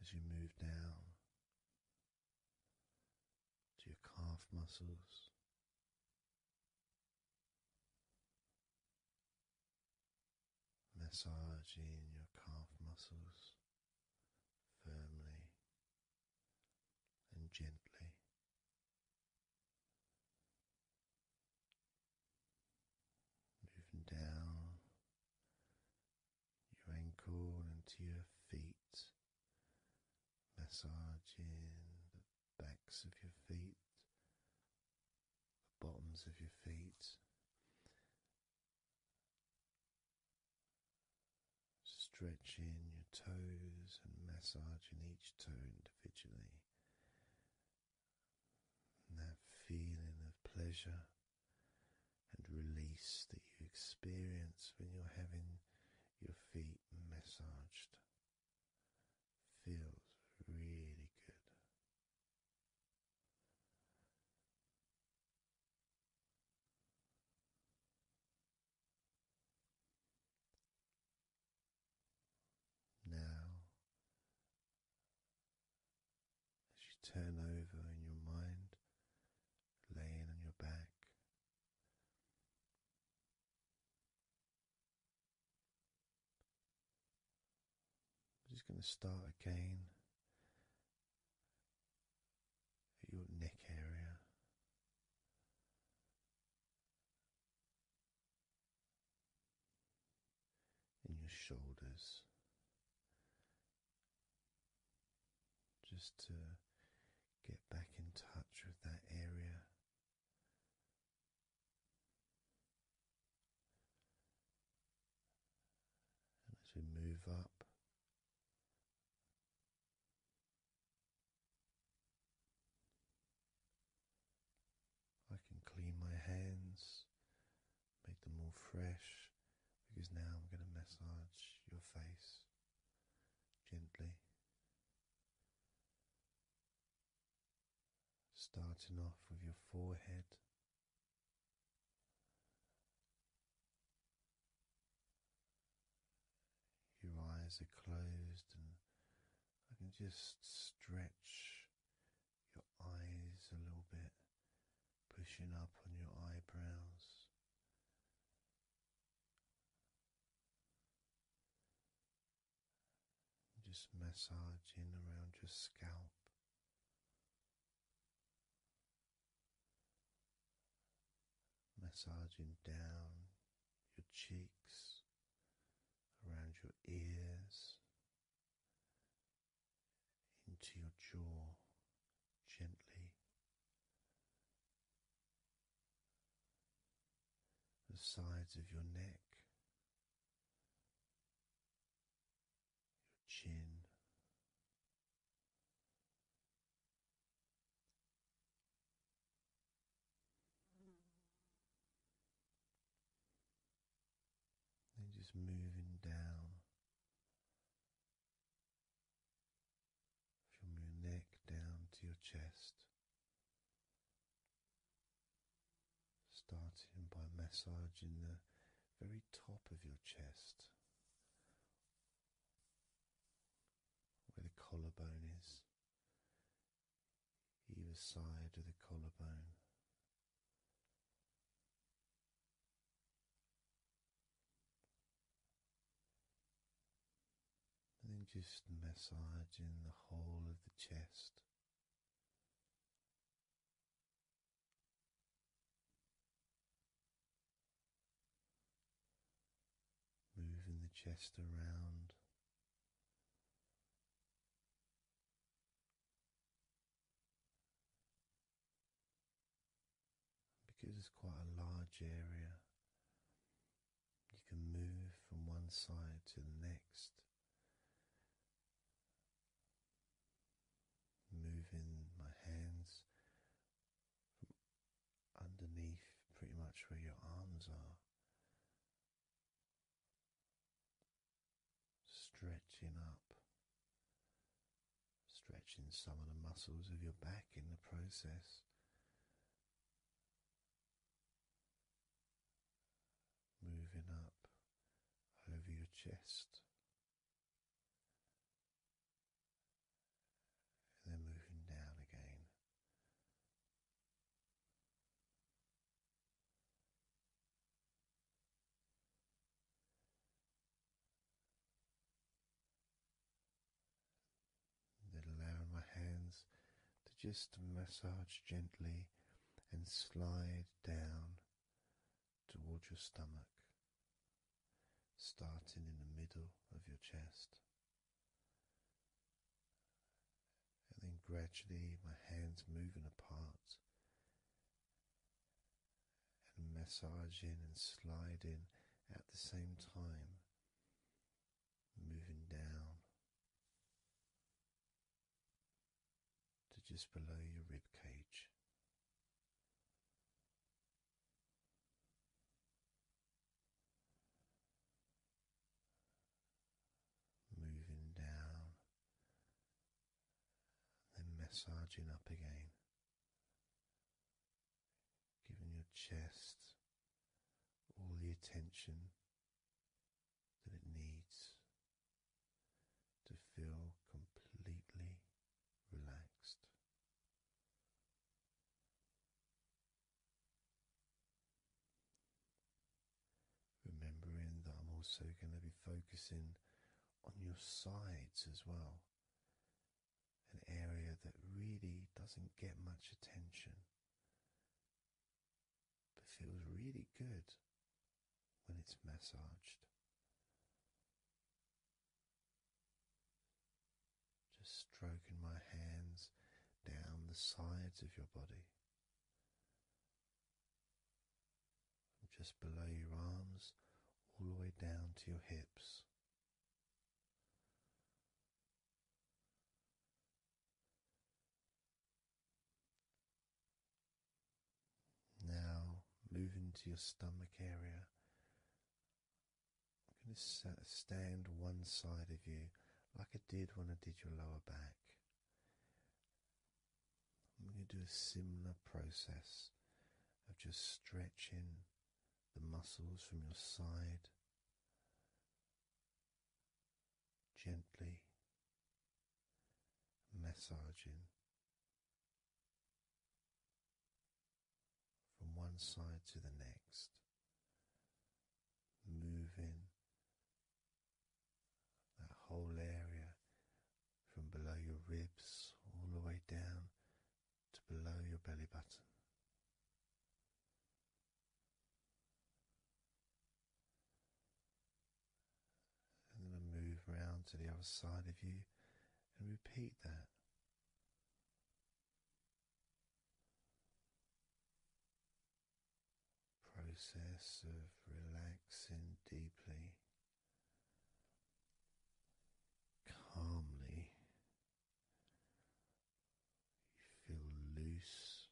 as you move down to your calf muscles. Massaging your calf muscles firmly and gently, moving down your ankle and to your feet, massaging the backs of your feet, the bottoms of your feet. Stretching your toes and massaging each toe individually, that feeling of pleasure and release that you experience when you're having your feet massaged feels really good. Now as you turn over in your mind, laying on your back, I'm just going to start again at your neck area. In your shoulders just to get back in touch with that area. And as we move up, I can clean my hands, make them more fresh, because now I'm going to massage your face gently. Starting off with your forehead. Your eyes are closed, and I can just stretch your eyes a little bit, pushing up on your eyebrows. Just massaging around your scalp. Massaging down your cheeks, around your ears, into your jaw gently. The sides of your neck, your chin, then just moving down from your neck down to your chest. Starting by massaging the very top of your chest, where the collarbone is, either side of the collarbone, and then just massaging the whole of the chest. Moving the chest around, because it's quite a large area, you can move from one side to the next, moving my hands from underneath pretty much where your arms are stretching up, stretching some of the muscles of your back in the process. Moving up over your chest, and then moving down again, then allowing my hands to just massage gently and slide down towards your stomach, starting in the middle of your chest. And then gradually my hands moving apart and massaging and sliding at the same time, moving down to just below your rib cage. Moving down then massaging up again, giving your chest all the attention that it needs to feel completely relaxed. Remembering that I'm also going to be focusing on your sides as well. An area that really doesn't get much attention but feels really good when it's massaged. Just stroking my hands down the sides of your body just below your arms, all the way down to your hips. Now, move into your stomach area. I'm going to stand one side of you like I did when I did your lower back. I'm going to do a similar process of just stretching the muscles from your side gently massaging from one side to the next, moving that whole area from below your ribs all the way down to below your belly button. And then move around to the other side of you and repeat that. Process of relaxing deeply calmly. You feel loose,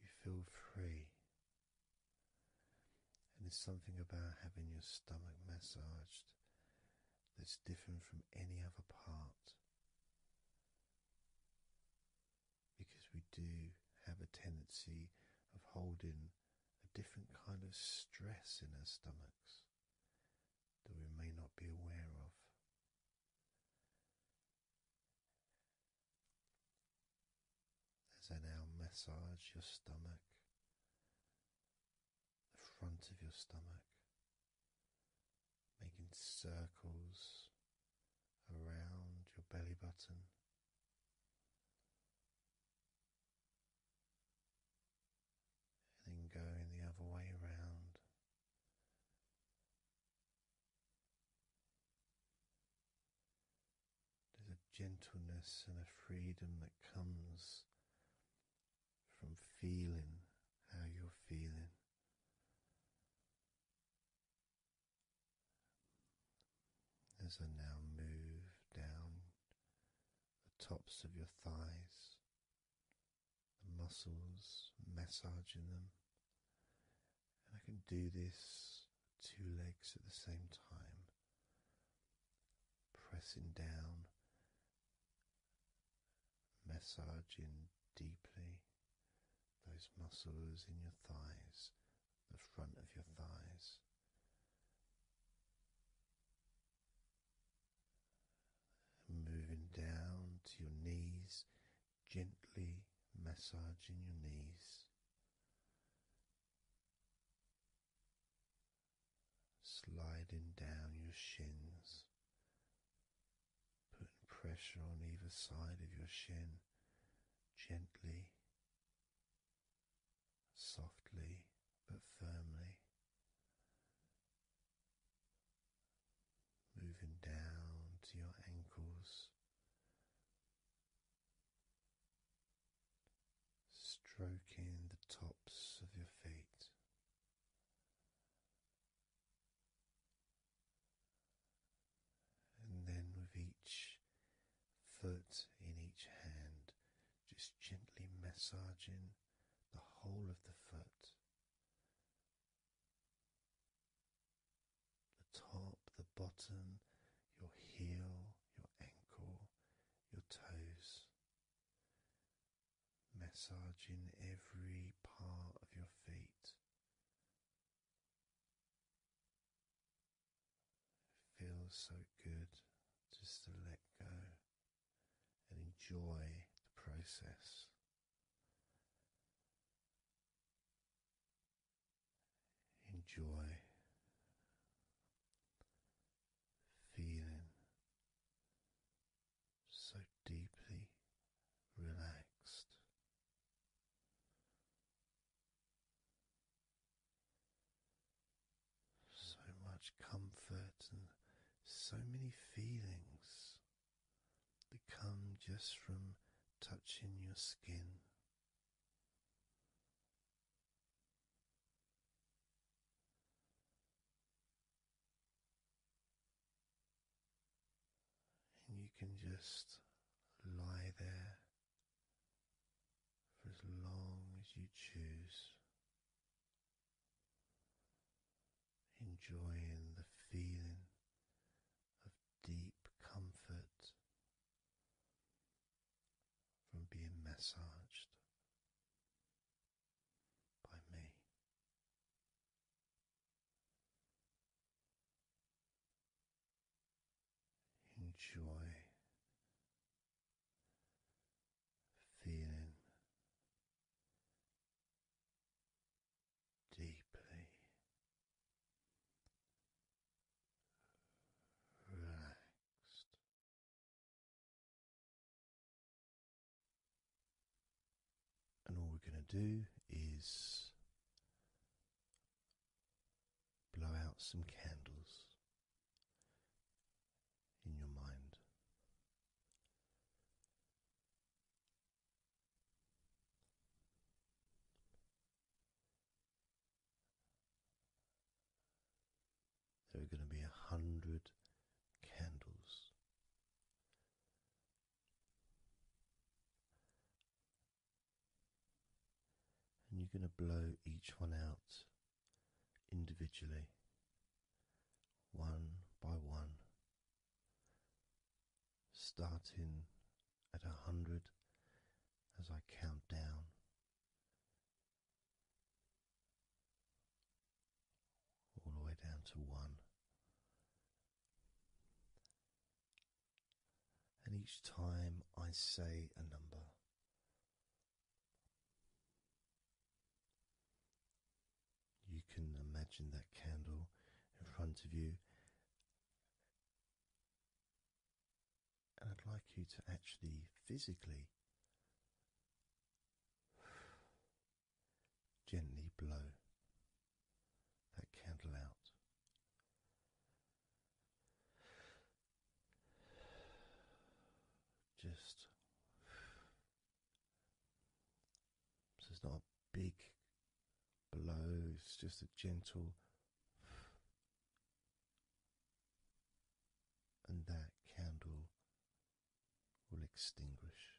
you feel free. And it's something about having your stomach massaged that's different from any other part. Because we do have a tendency of holding a different kind of stress in our stomachs that we may not be aware of. As I now massage your stomach, the front of your stomach, making circles around your belly button and then going the other way around. There's a gentleness and a freedom that comes from feeling how you're feeling. As I now move down the tops of your thighs, the muscles, massaging them. And I can do this two legs at the same time, pressing down, massaging deeply those muscles in your thighs the front of your thighs. Moving down to your knees, gently massaging your knees. Sliding down your shins, putting pressure on either side of your shin gently softly but firmly, moving down to your ankles, stroking the tops of your feet. And then with each foot in each hand, just gently massaging the whole of the foot, the top, the bottom, your heel, your ankle, your toes. Massaging every part of your feet. It feels so good just to let go and enjoy the process. Enjoy feeling so deeply relaxed. So much comfort and so many feelings that come just from touching your skin. And you can just lie there for as long as you choose, enjoying the feeling of deep comfort from being massaged by me. Enjoy feeling deeply relaxed. And all we're going to do is blow out some candles in your mind. There are going to be a hundred candles. And you're going to blow each one out individually, one by one, starting at a hundred as I count down. All the way down to one. And each time I say a number, you can imagine that candle in front of you, and I'd like you to actually physically gently blow that candle out. Just so it's not a big blow, it's just a gentle. And that candle will extinguish.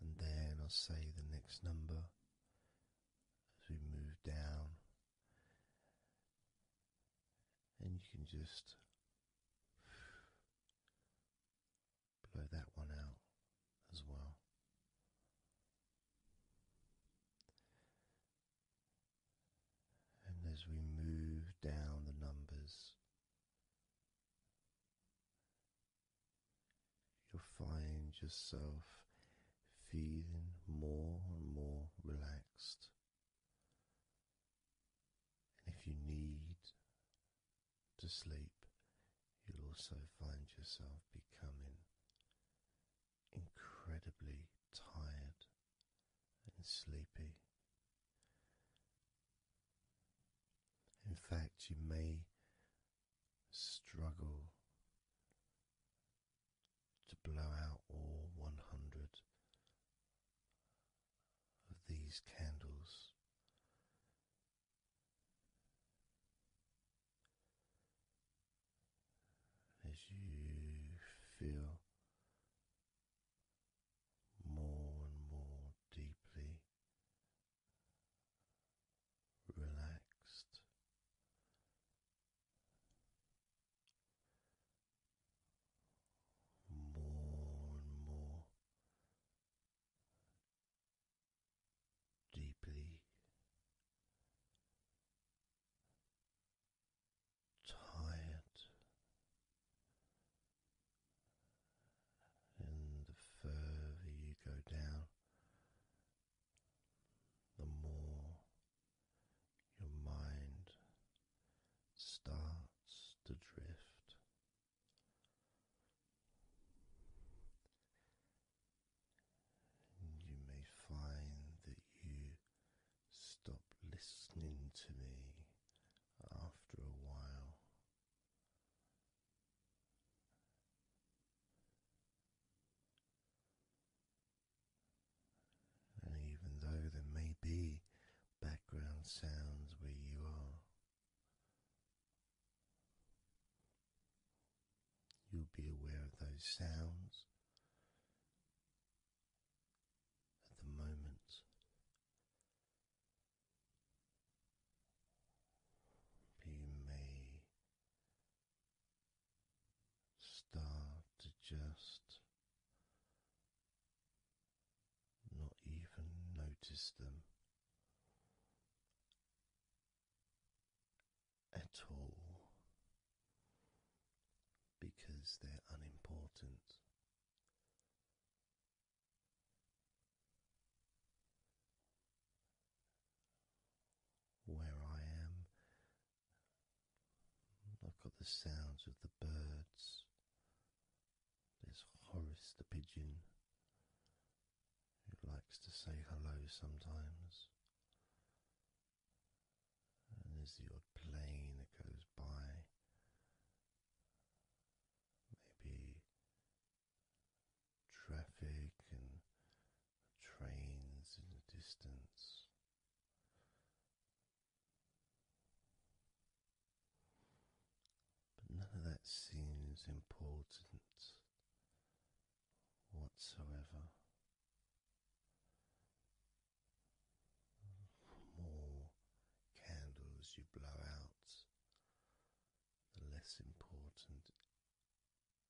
And then I'll say the next number as we move down and you can just blow that one out as well. And as we move down the numbers, you'll find yourself feeling more and more relaxed. And if you need to sleep, you'll also find yourself becoming incredibly tired and sleepy. In fact, you may struggle to blow out all 100 of these candles. As you feel more and more deeply relaxed, more and more deeply. Tired and the further you go down, the more your mind starts to drift. you may find that you stop listening to me after a while. And even though there may be background sounds where you are, you'll be aware of those sounds at the moment. you may start to just not even notice them at all because they're unimportant. Where I am I've got the sounds of the birds. There's Horace the pigeon who likes to say hello sometimes. And there's the plane that goes by. Maybe traffic and trains in the distance. But none of that seems important whatsoever. More candles you blow out, the less important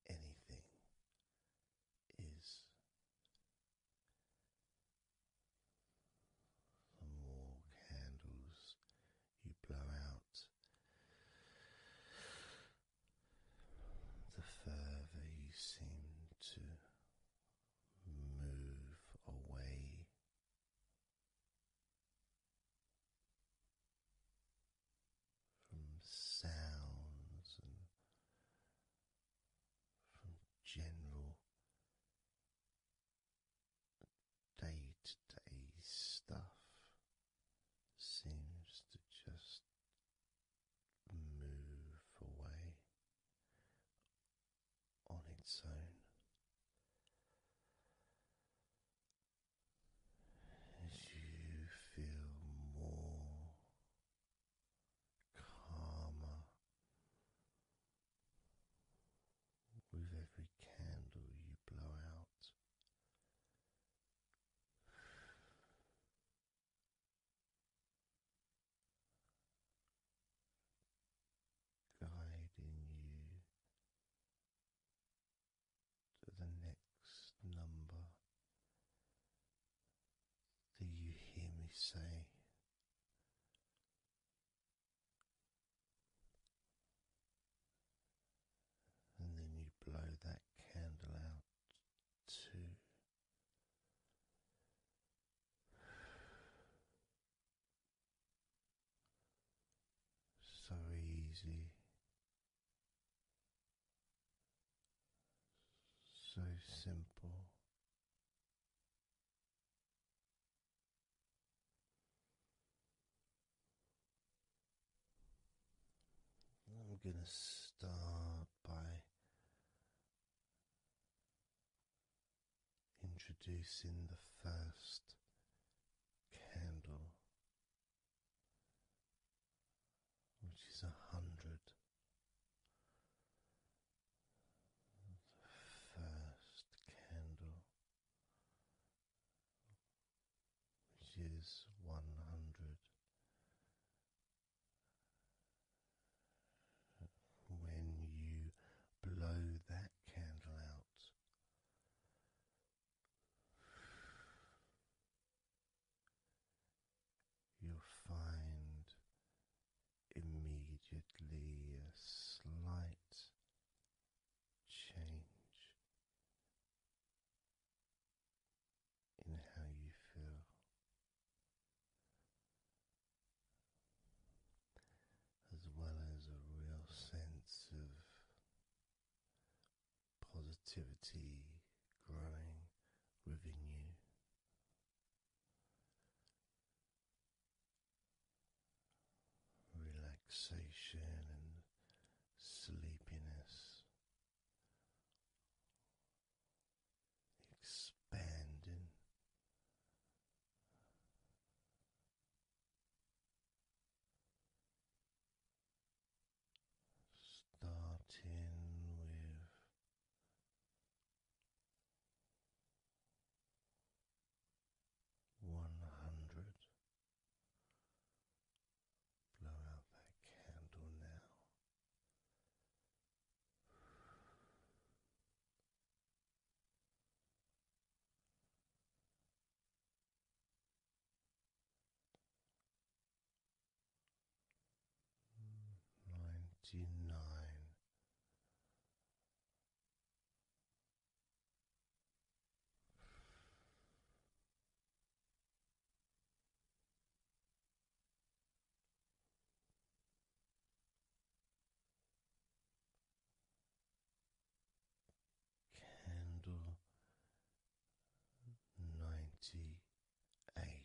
anything is the more candles you blow out, the further you seem to move away. From sounds and from general day to day stuff seems to just move away on its own. you feel more calmer with every candle you blow out. Guiding you to the next number do you hear me say? And then you blow that candle out too. So easy, so simple. I'm going to start by introducing the first candle, which is a hundred. The first candle, which is one hundred, when you blow that candle out. You'll find immediately a slight change in how you feel. As well as a real sense of positivity growing within you, relaxation and sleepiness expanding. Starting with one hundred. Blow out that candle now ninety nine. Candle ninety eight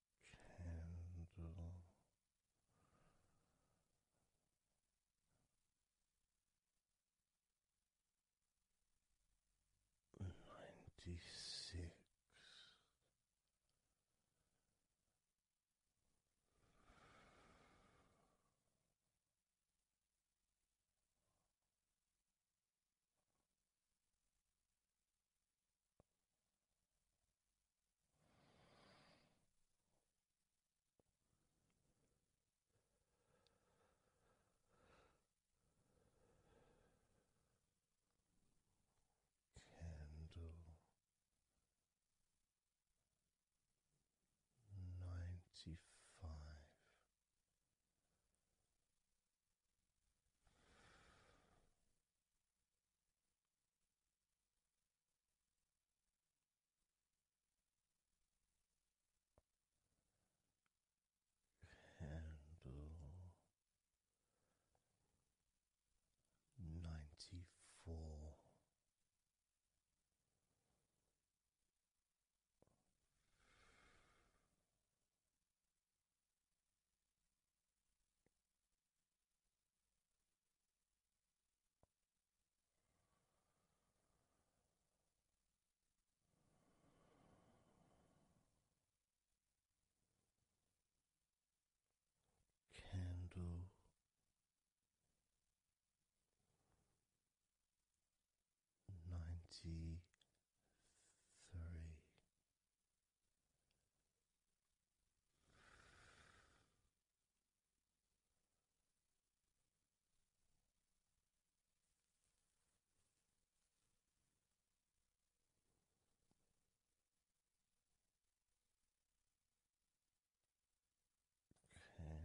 candle. Ninety six, Candle ninety five. Candle ninety four. Candle ninety three. Candle.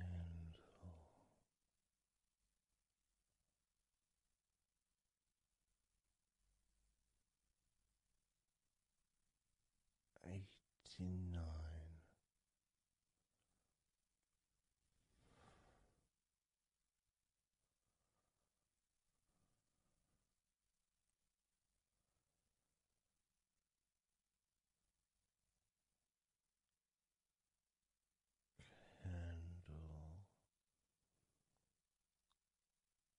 Candle eighty nine. Candle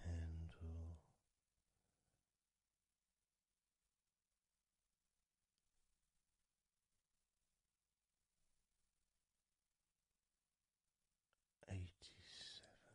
Candle eighty seven.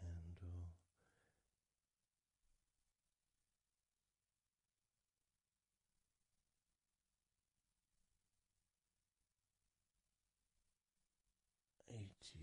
candle. Eighty six.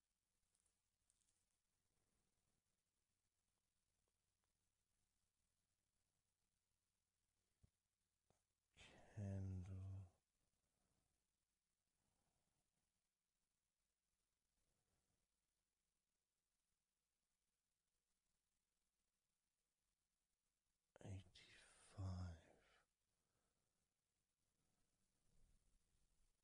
candle eighty five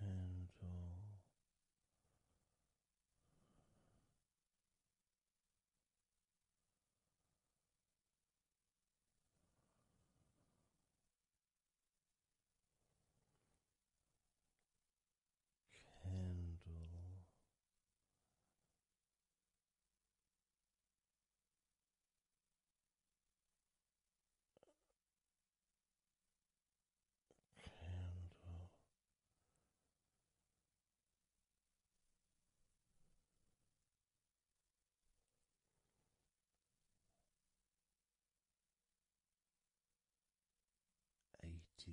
candle. Candle candle. Eighty two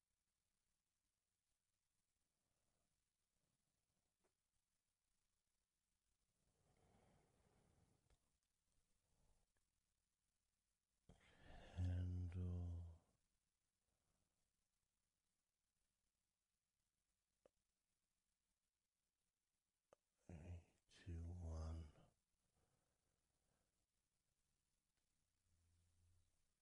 handle to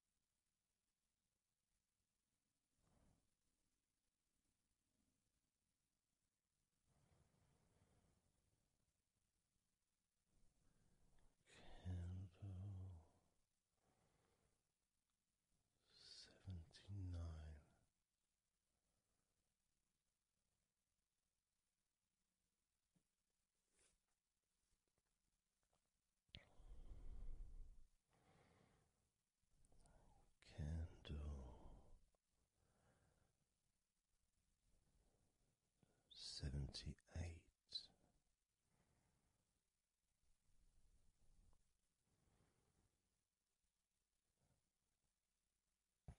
Candle seventy nine. Candle seventy eight,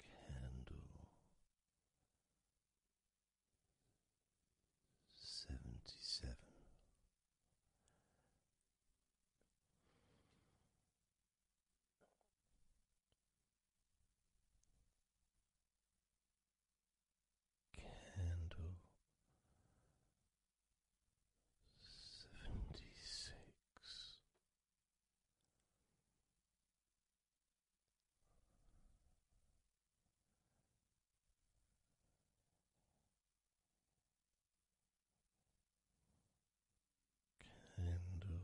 candle seventy seven. Candle seventy six, Candle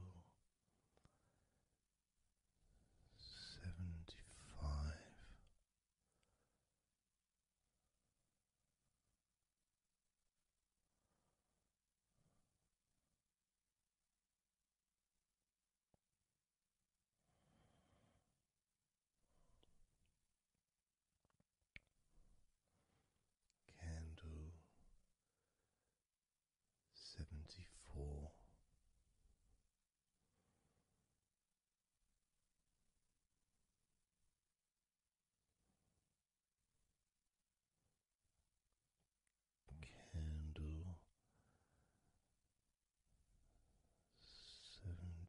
seventy five. Candle seventy four. Candle seventy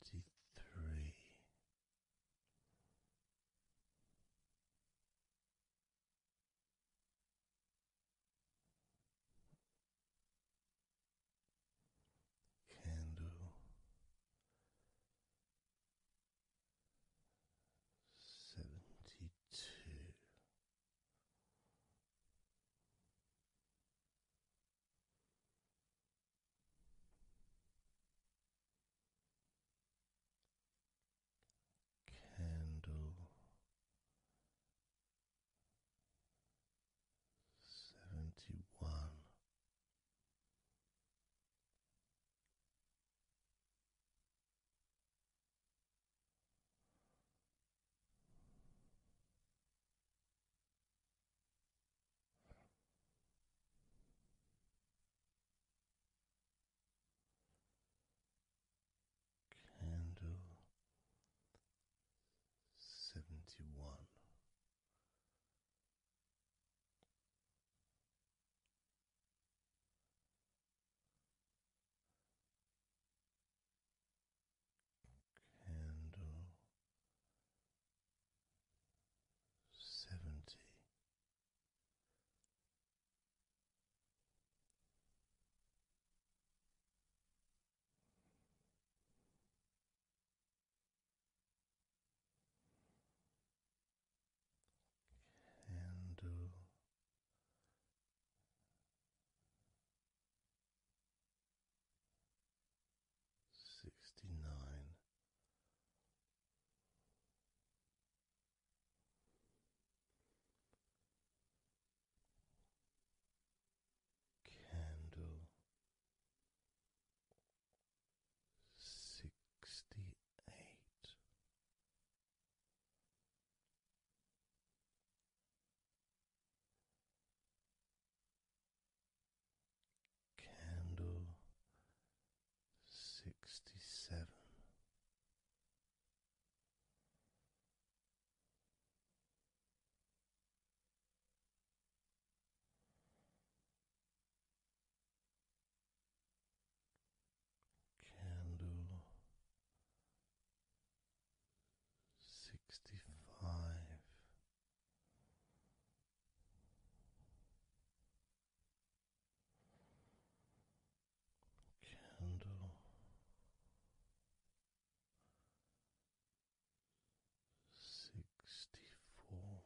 three. Candle seventy two Candle seventy one. Candle seventy one candle seventy. Candle sixty nine. Candle sixty eight, candle sixty seven. Candle sixty five, Candle sixty four.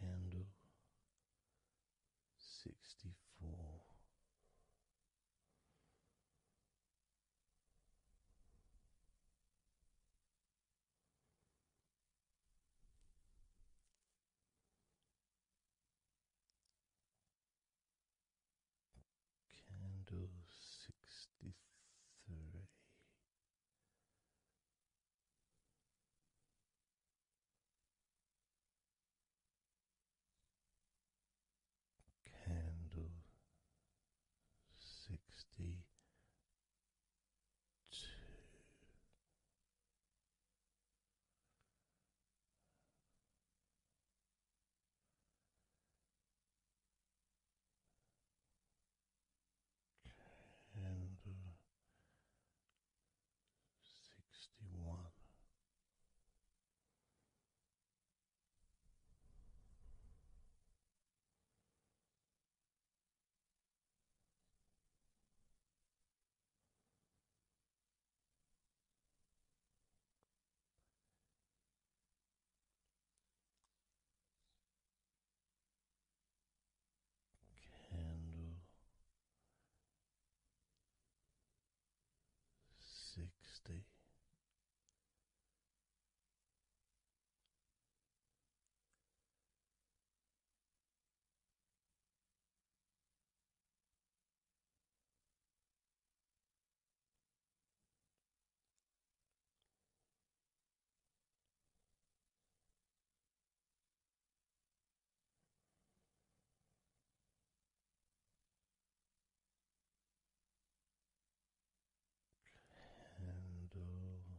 Candle sixty four. Candle sixty three. Candle sixty two Candle sixty one. Candle sixty. Candle uh,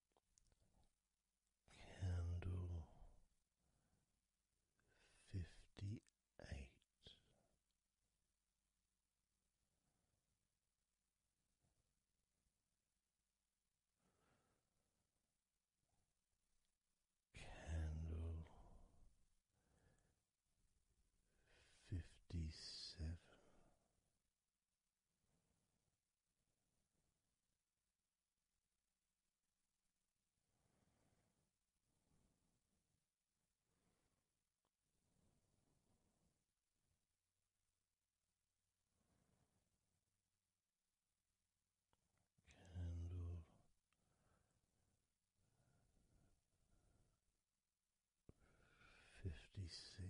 candle fifty eight. Candle fifty seven, Candle fifty six.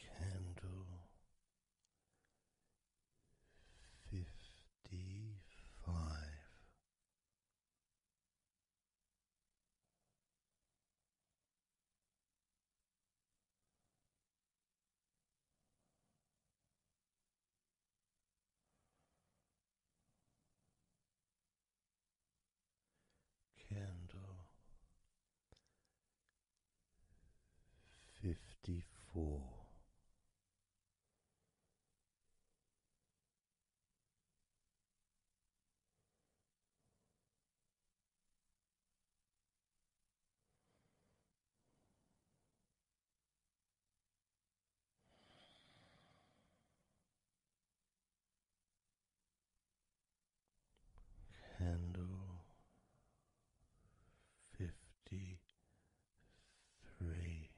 candle fifty five. Candle fifty four. Candle fifty three.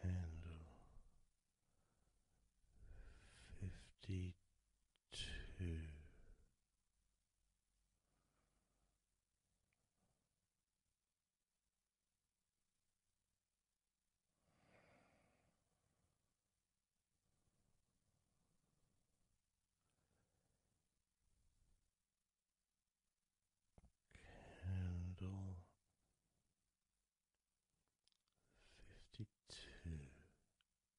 Candle fifty two. Candle fifty two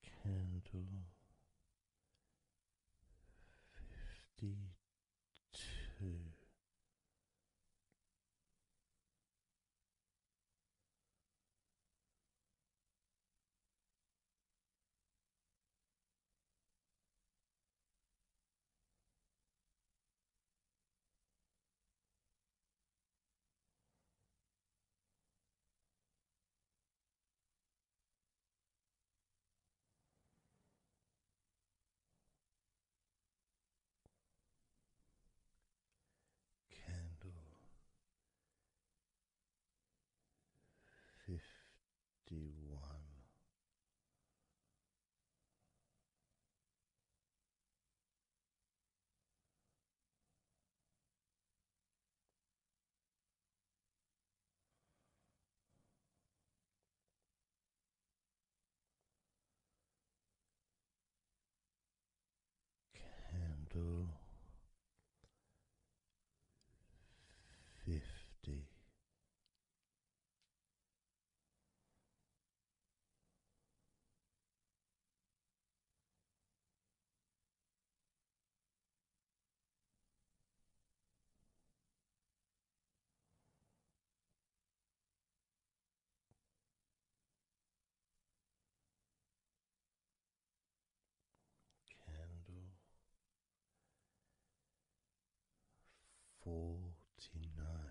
candle fifty two. Candle fifty one. Candle fifty Candle forty nine.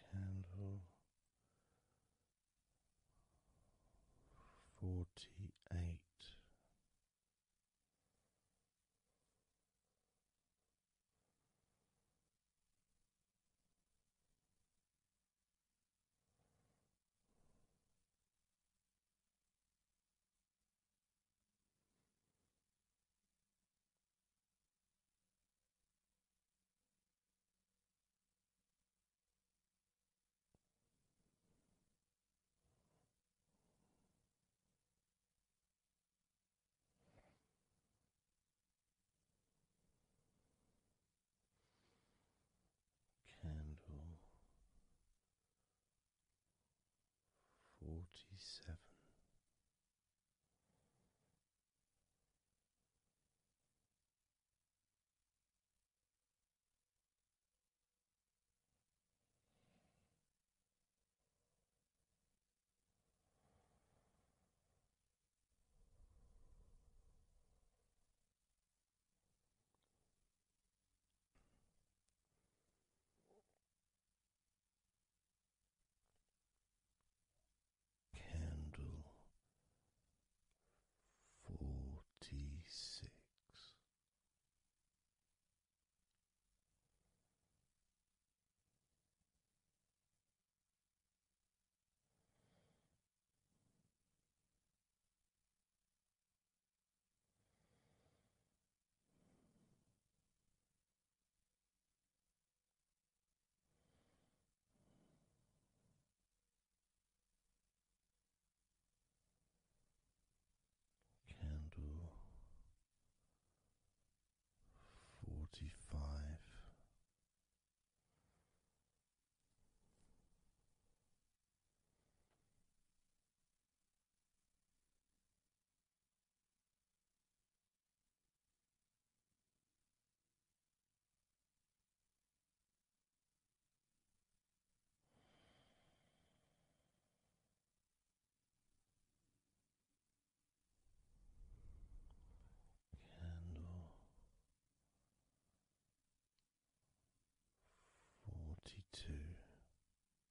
candle forty eight. Candle forty seven. Candle forty six. Candle forty five. Candle forty two.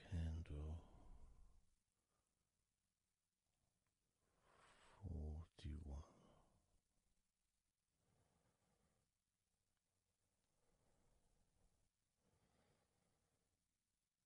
Candle forty one.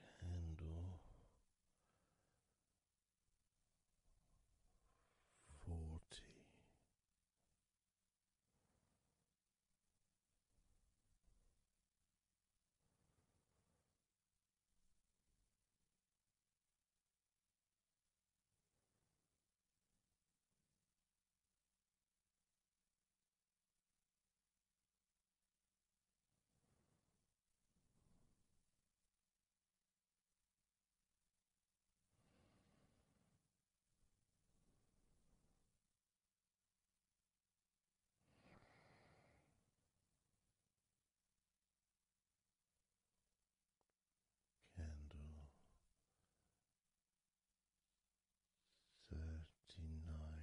candle forty. Candle thirty nine.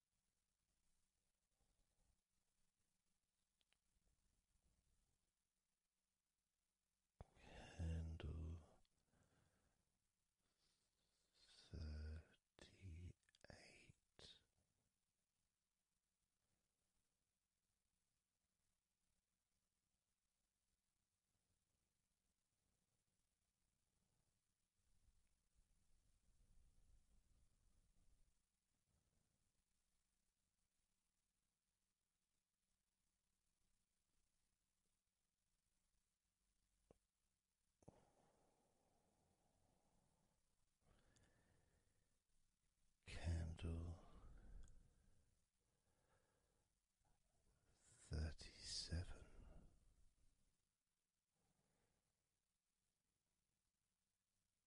Handle thirty eight. Candle thirty seven.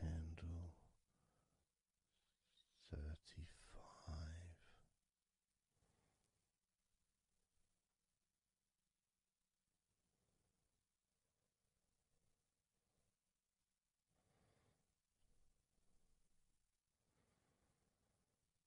Candle thirty five.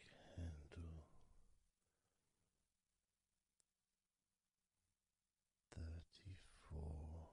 candle thirty four.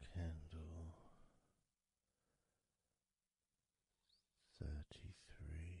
Candle thirty three.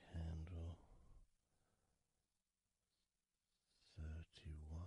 Candle thirty one.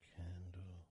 candle thirty.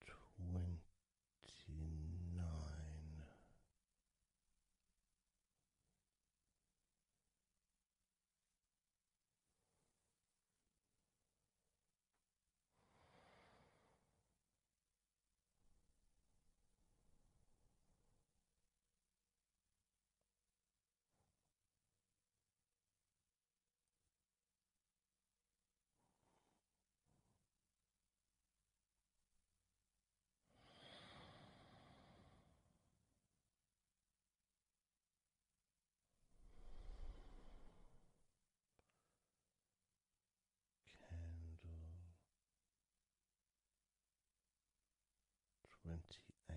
Candle twenty nine. Candle twenty eight.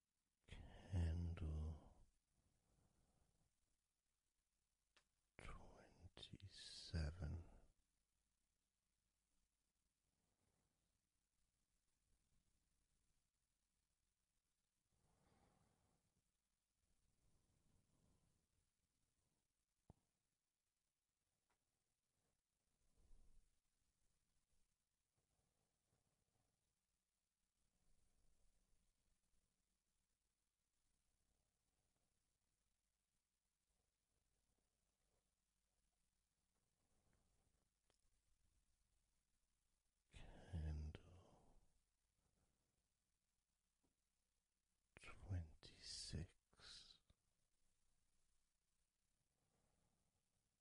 candle twenty seven. Candle twenty six.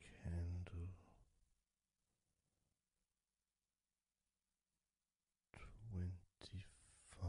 Candle twenty five.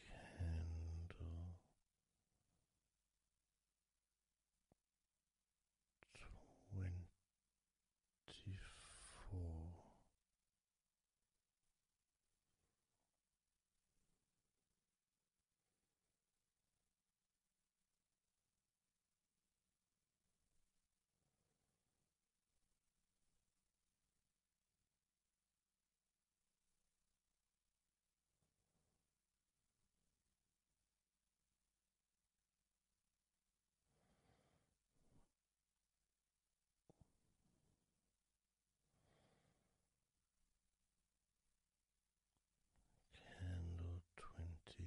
candle twenty four. Candle twenty three.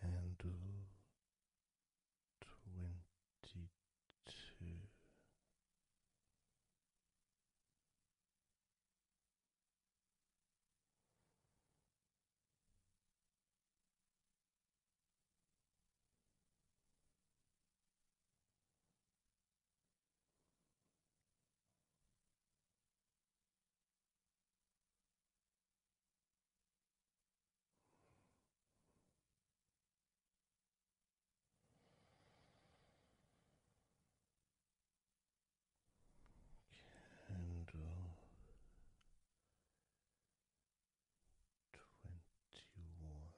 Candle twenty two. Candle twenty one.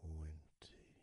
Candle twenty.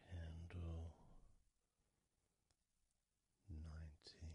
candle nineteen.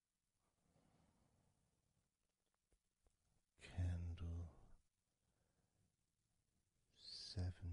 Candle seventeen,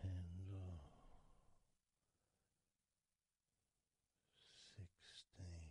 candle sixteen.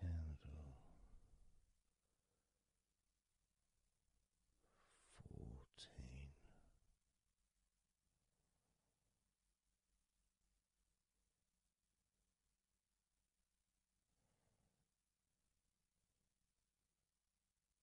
Candle fourteen.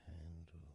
Candle twelve.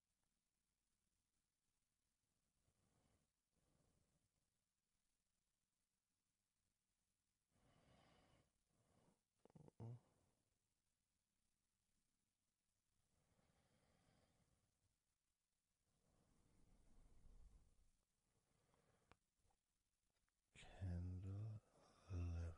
Candle eleven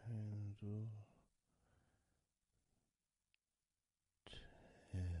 Candle ten.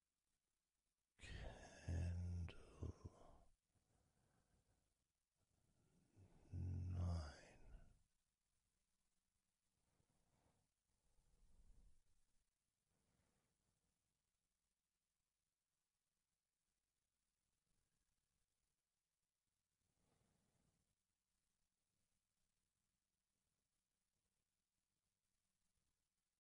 candle nine.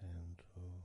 Candle eight.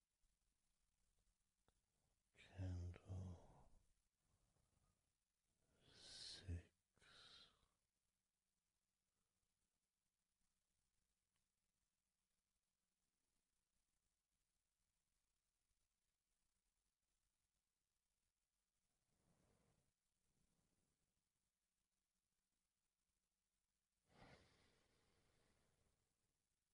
candle six.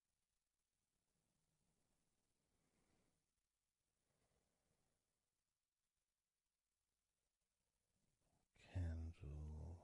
Candle five.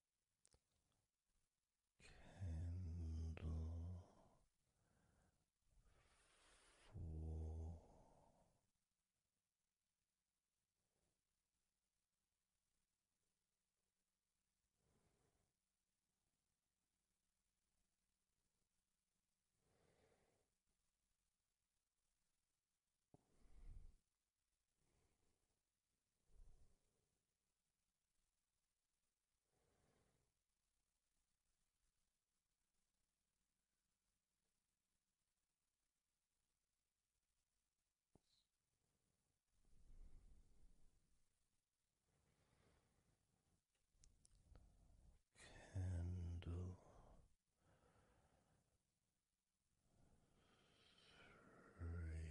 candle four. Candle three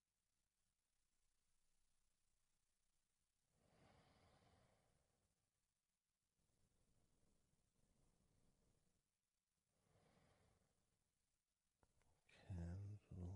Candle two.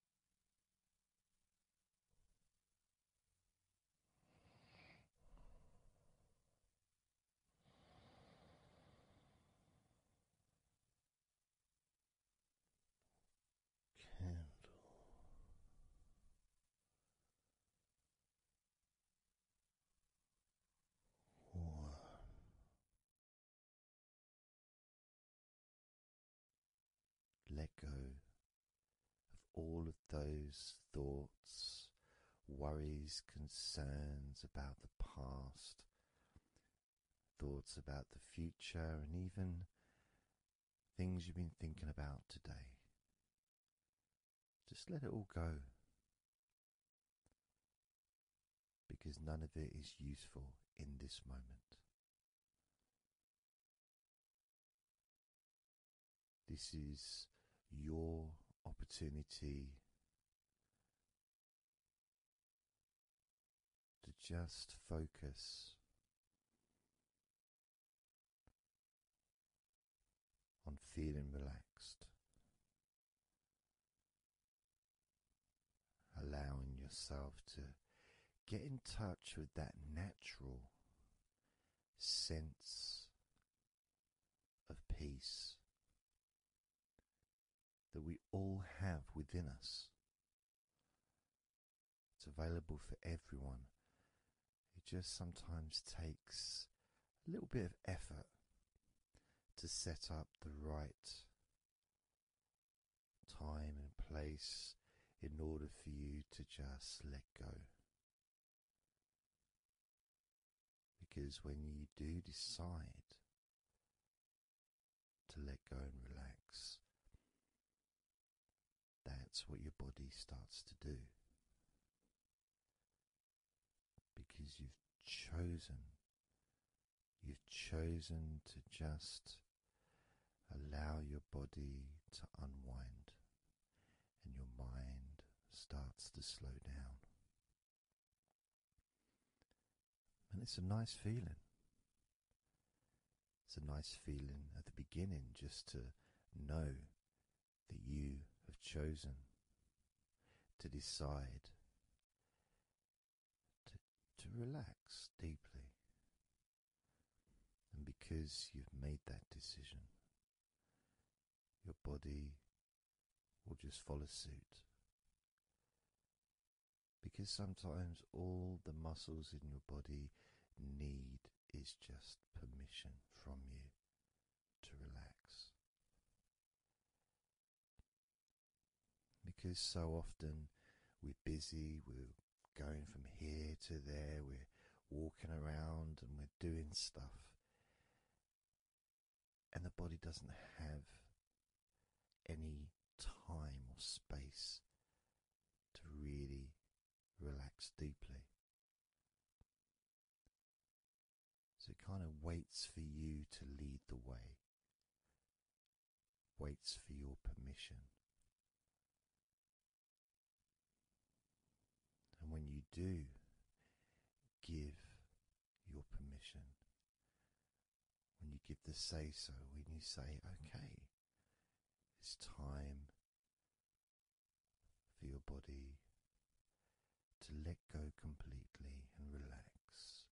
Candle. One let go of all of those thoughts, worries, concerns about the past, thoughts about the future, and even things you've been thinking about today. Just let it all go. Because none of it is useful in this moment. This is your opportunity to just focus on feeling relaxed allowing yourself to get in touch with that natural sense of peace that we all have within us. It's available for everyone. It just sometimes takes a little bit of effort to set up the right time and place in order for you to just let go. Because when you do decide to let go and relax, that's what your body starts to do. Because you've chosen You've chosen to just allow your body to unwind, and your mind starts to slow down. And it's a nice feeling. It's a nice feeling at the beginning just to know that you have chosen to decide to, relax deeply. And because you've made that decision, your body will just follow suit. Because sometimes all the muscles in your body need is just permission from you to relax. Because so often we're busy, we're going from here to there, we're walking around and we're doing stuff. And the body doesn't have any time or space to really relax deeply. So it kind of waits for you to lead the way waits for your permission. And when you do give your permission, when you give the say so, when you say, okay, it's time for your body to let go completely and relax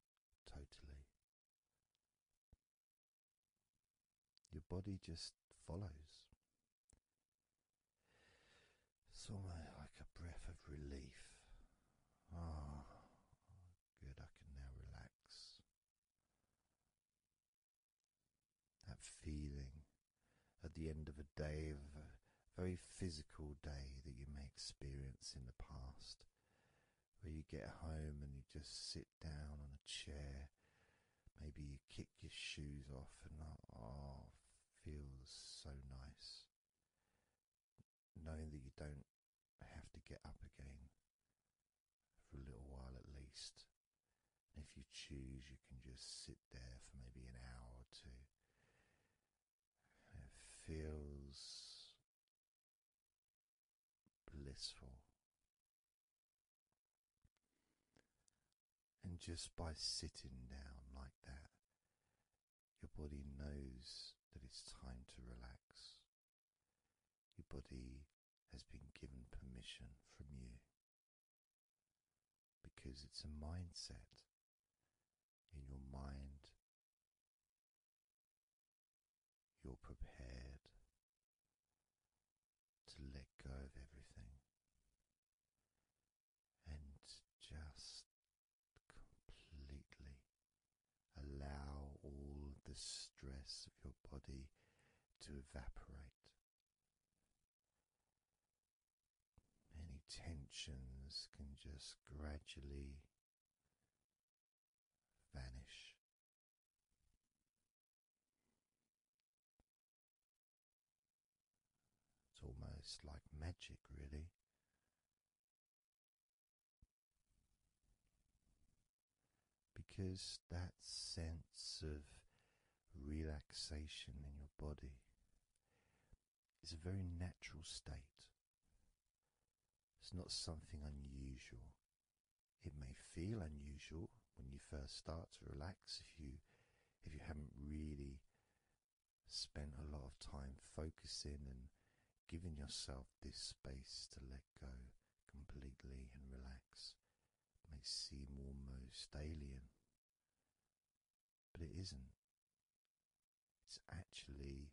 totally. Your body just follows. It's almost like a breath of relief. oh, good, I can now relax. That feeling at the end of a day, of a very physical day that you may experience in the past, where you get home and you just sit sit down on a chair. Maybe you kick your shoes off, and oh, feels so nice. Knowing that you don't have to get up again for a little while at least. And if you choose, you can just sit there for maybe an hour or two. And it feels blissful. And just by sitting down like that, your body knows that it's time to relax. Your body has been given permission from you because it's a mindset in your mind you're prepared to let go of everything and just completely allow all the stress of your body to evaporate. Any tensions can just gradually vanish it's almost like magic, really. Because that sense of relaxation in your body is a very natural state. It's not something unusual. It may feel unusual when you first start to relax if you if you haven't really spent a lot of time focusing and giving yourself this space to let go completely and relax. It may seem almost alien, but it isn't. It's actually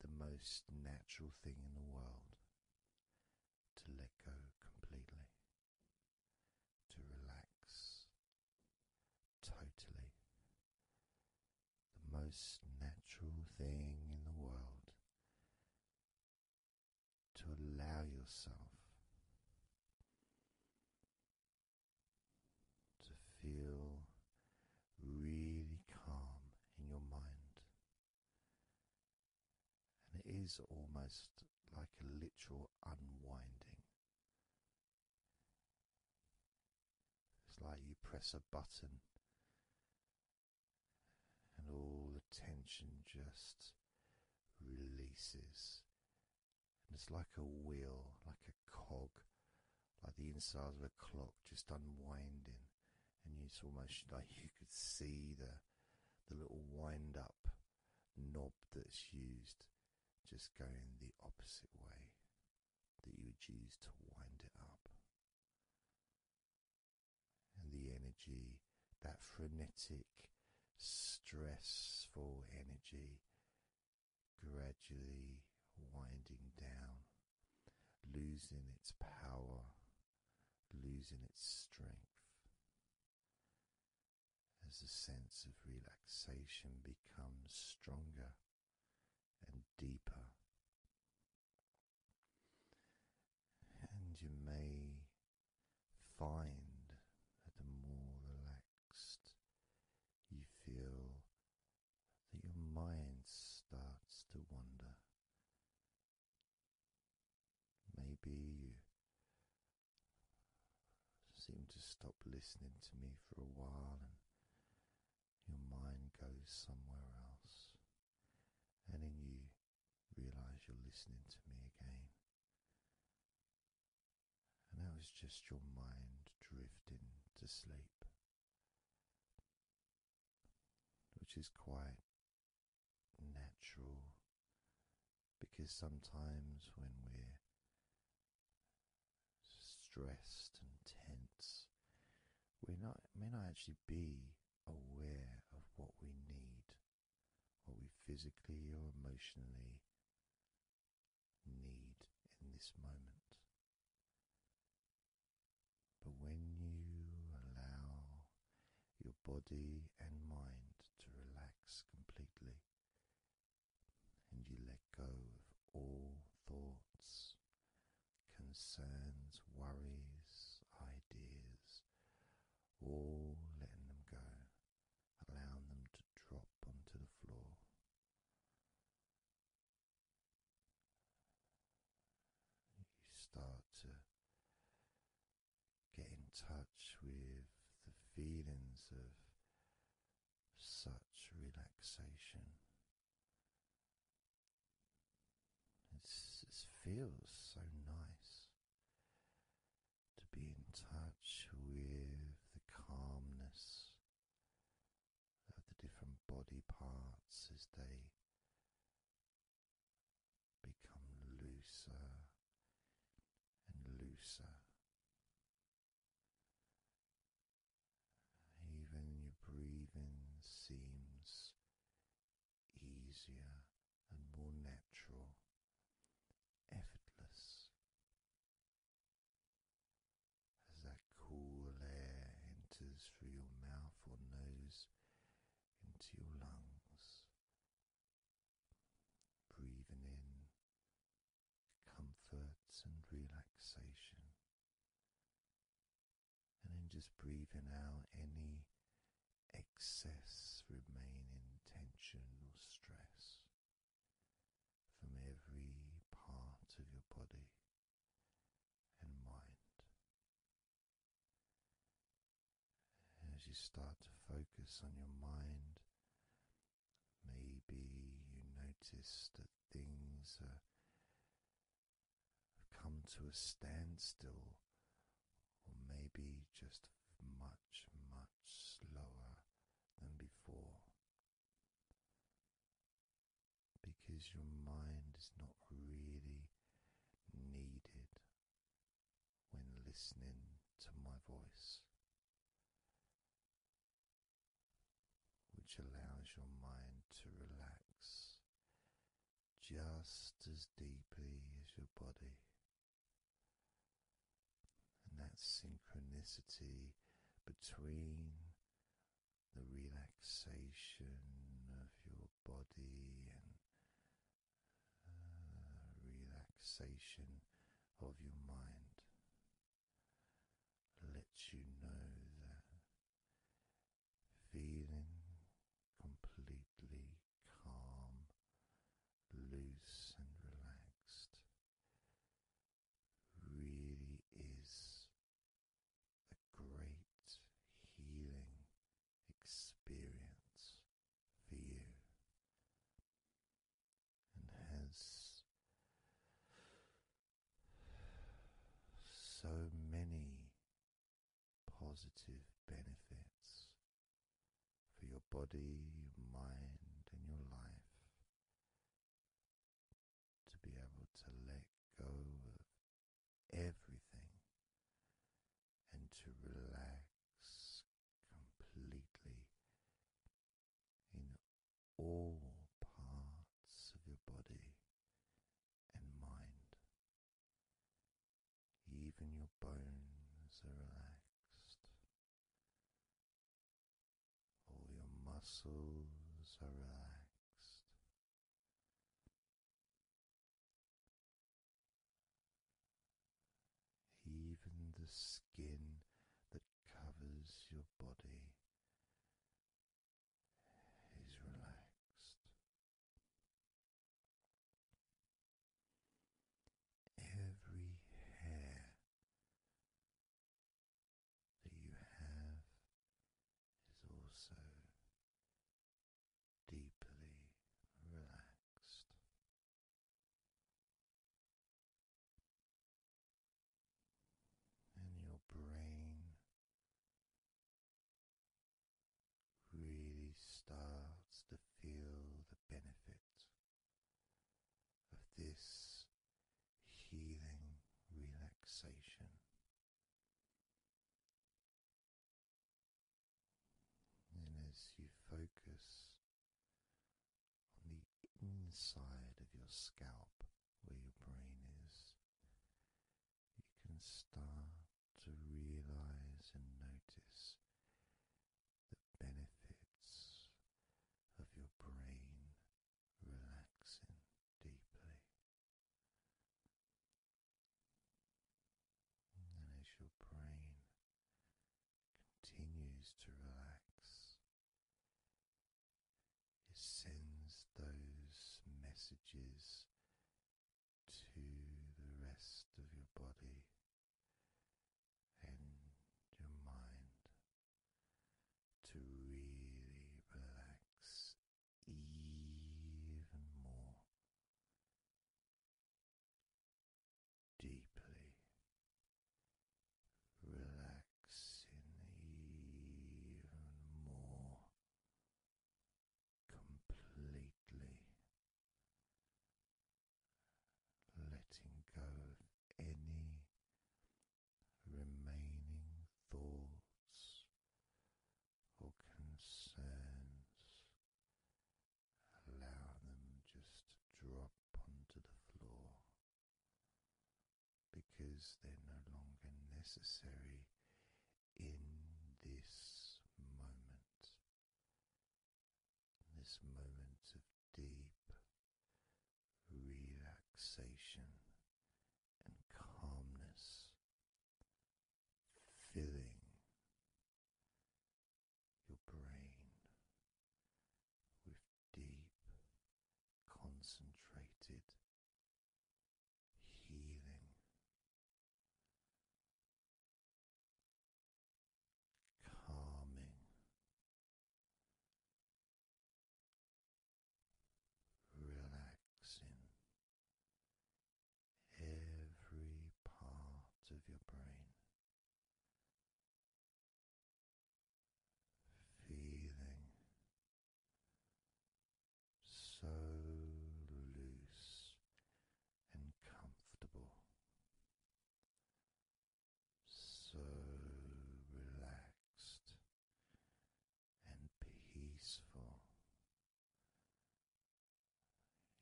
the most natural thing in the world to let go completely, to relax totally. The most natural thing in the world to allow yourself to feel really calm in your mind. And it is almost like a literal unwinding. It's like you press a button and all the tension just releases. And it's like a wheel, like a cog, like the inside of a clock just unwinding and it's almost like you could see the the little wind up knob that's used just going the opposite way that you would use to wind it up. And the energy, that frenetic, stressful energy, gradually winding down, losing its power losing its strength as the sense of relaxation becomes stronger and deeper. And you may find that the more relaxed you feel, that your mind starts to wander Maybe you seem to stop listening to me for a while and your mind goes somewhere else, and then you realize you're listening to me again. And that was just your mind drifting to sleep, which is quite natural because sometimes when we're stressed and tense, we may not actually be aware of what we need, what we physically or emotionally need in this moment. But when you allow your body and mind to relax completely, and you let go of all thoughts, concerns, worries, ideas, all letting them go, allowing them to drop onto the floor. You start to get in touch with the feelings of such relaxation. it feels so nice to be in touch with the calmness of the different body parts as they become looser and looser. Even your breathing seems easier and more natural, effortless. As that cool air enters through your mouth or nose into your lungs breathing in comfort and relaxation, and then just breathing out any excess remaining tension or stress from every part of your body and mind. As you start to focus on your mind, maybe you notice that things are, have come to a standstill, or maybe just much, much slower than before. Because your mind is not really needed when listening to my voice, which allows your mind to relax just as deeply as your body. And that synchronicity between the relaxation of your body and uh, relaxation of your mind lets you know that feeling completely calm, loose, and relaxed really is a great healing experience for you and has so many positive benefits for your body, your mind, and your life to be able to let go of everything and to relax completely in all parts of your body and mind. Even your bones are relaxed. All your muscles are relaxed. Even the skin that covers your body is relaxed. Every hair that you have is also deeply relaxed and your brain really starts to feel the benefit of this healing relaxation. And as you focus on the inside of your scalp where your brain is, you can start to realize and notice the benefits of your brain relaxing deeply. And as your brain continues to relax. It sends those messages to the rest of your body and your mind to really relax even more deeply, relaxing even more completely, letting go of any remaining thoughts or concerns Allow them just drop onto the floor because they're no longer necessary in this moment. This moment of deep relaxation and calmness, filling your brain with deep, concentrated healing. Calming, relaxing every part of your brain, feeling so loose and comfortable, so relaxed and peaceful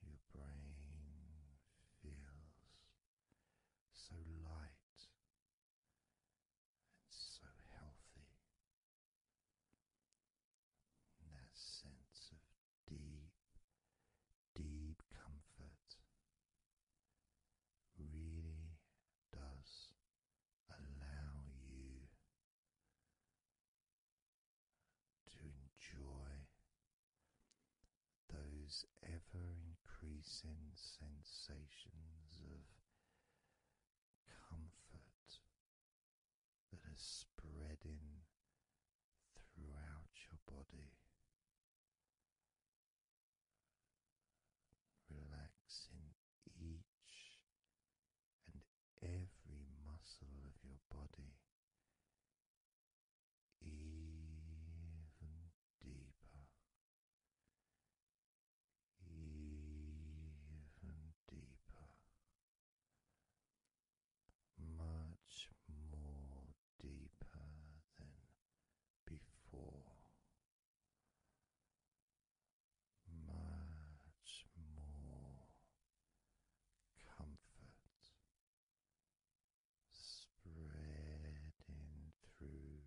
your brain feels so light and so healthy. that sense of deep, deep comfort really does allow you. To enjoy those ever increasing sensations of comfort that are spreading throughout your body. Relaxing each and every muscle of your body even deeper, even deeper, much more deeper than before. Much more comfort spreading through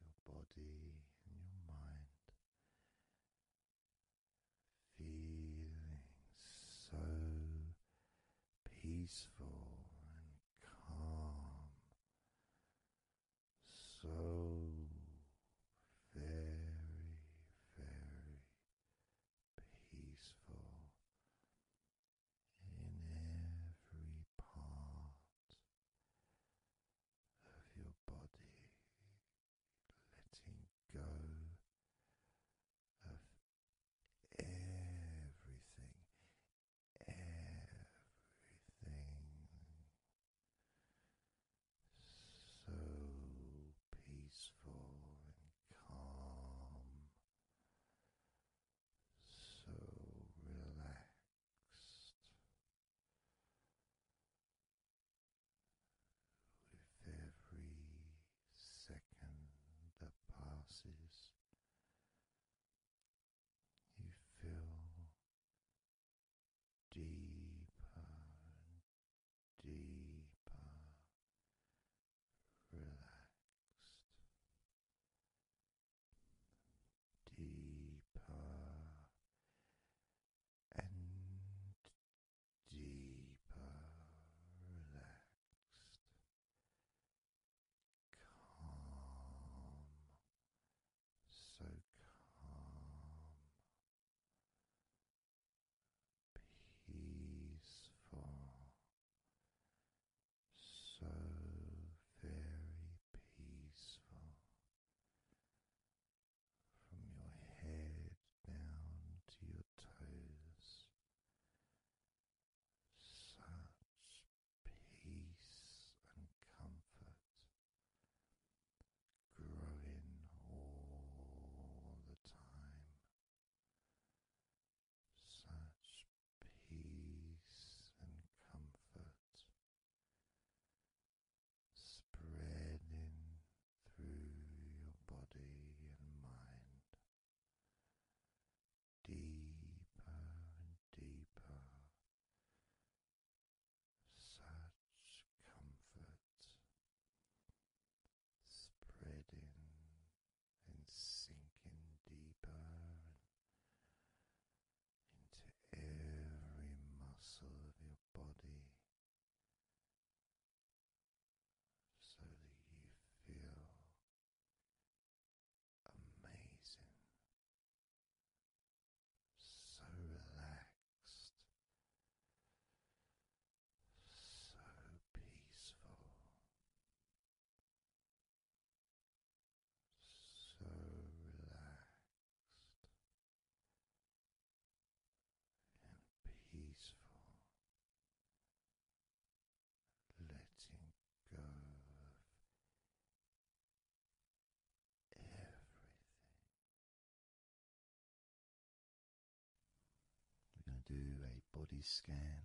your body and your mind, feeling so peaceful and calm, so very, very peaceful in every part of your body, letting go of everything, everything. So peaceful and calm, so relaxed with every second that passes. You feel deeper deeper relaxed, deeper and deeper relaxed, calm, so calm. Peaceful, so very peaceful from your head down to your toes. Such peace and comfort growing all the time such peace and comfort spreading through your body and mind deeper and deeper. Such comfort spreading and sinking deeper into every muscle of your body so that you feel amazing, so relaxed, so peaceful so relaxed and peaceful, letting go of everything. We're going to do a body scan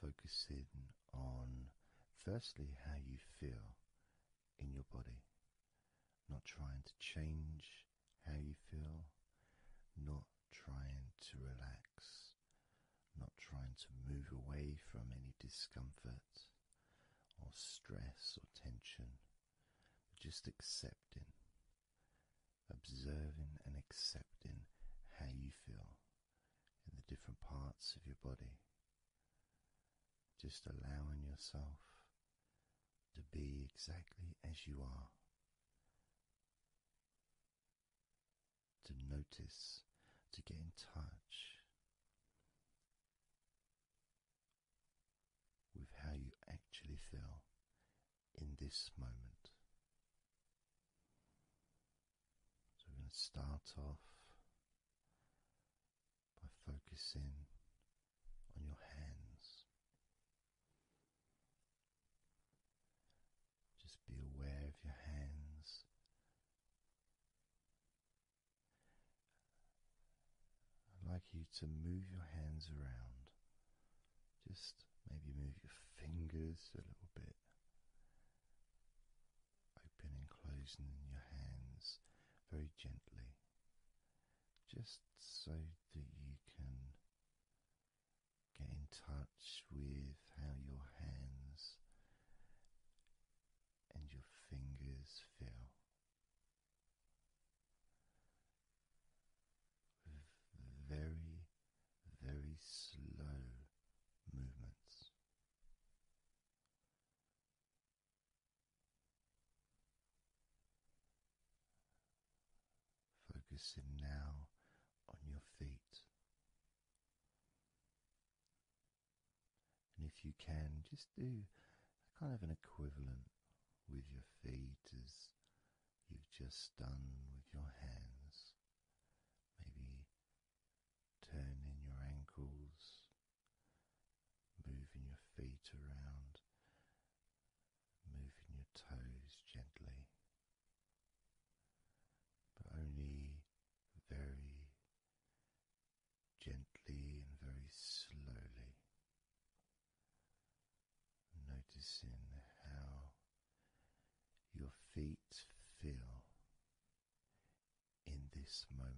focusing on firstly how you feel in your body, not trying to change how you feel, not trying to relax, not trying to move away from any discomfort or stress or tension, just accepting, observing and accepting how you feel in the different parts of your body. Just allowing yourself to be exactly as you are. To notice, to get in touch with how you actually feel in this moment. So we're going to start off by focusing on your hands. Just be aware of your hands. I'd like you to move your hands around. Just maybe move your fingers a little bit. Opening, closing your hands very gently, just so that you can get in touch with how your hands and your fingers feel. very very slow movements. Focusing now on your feet. And if you can, just do a kind of an equivalent with your feet as you've just done with your hands. Maybe turning your ankles, moving your feet around, moving your toes gently, but only very gently and very slowly. Noticing how your feet feel in this moment.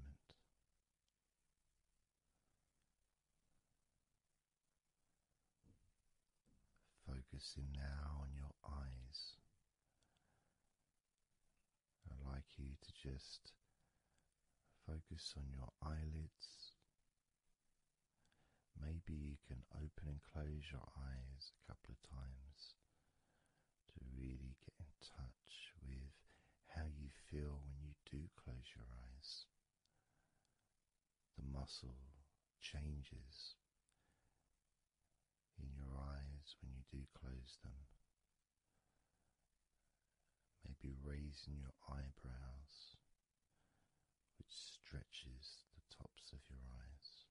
Focusing now on your eyes. I'd like you to just focus on your eyelids. Maybe you can open and close your eyes a couple of times to really get in touch with how you feel when you do close your eyes. The muscle changes in your eyes when you do close them. Maybe raising your eyebrows, which stretches the tops of your eyes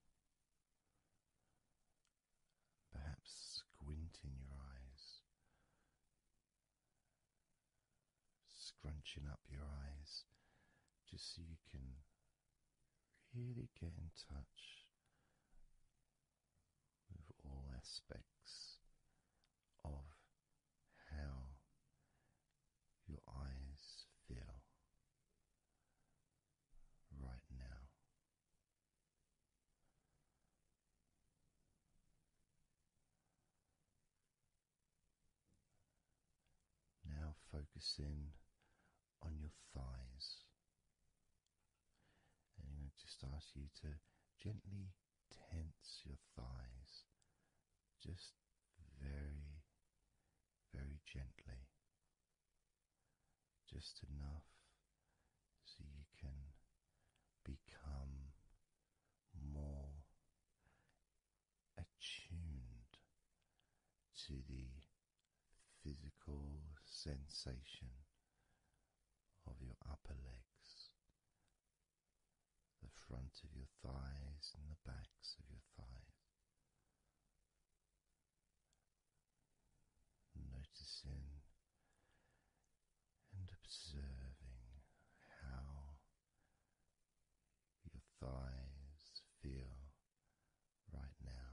perhaps squinting your eyes, scrunching up your eyes, just so you can really get in touch with all aspects of how your eyes feel right now. Now focus in on your thighs. And I'm going to just ask you to gently tense your thighs, just very, very gently just enough so you can become more attuned to the physical sensation of your upper legs, the front of your thighs, and the backs of your thighs. Noticing and observing how your thighs feel right now.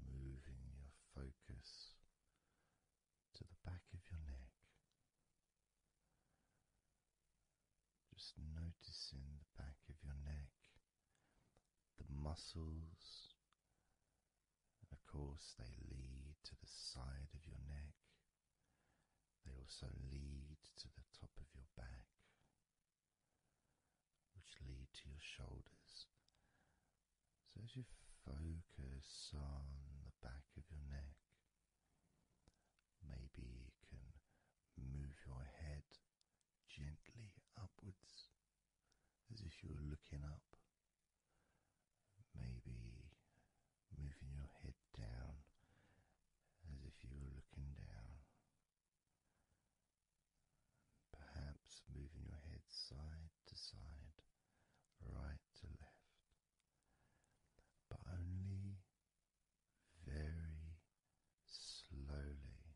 Moving your focus to the back of your neck just noticing the back of your neck, the muscles, of course, they lead to the side of your neck, they also lead to the top of your back, which lead to your shoulders. So, as you focus on the back of your neck, Maybe you can move your head gently upwards as if you were looking up. Maybe moving your head down as if you were looking down. Perhaps moving your head side to side, right to left but only very slowly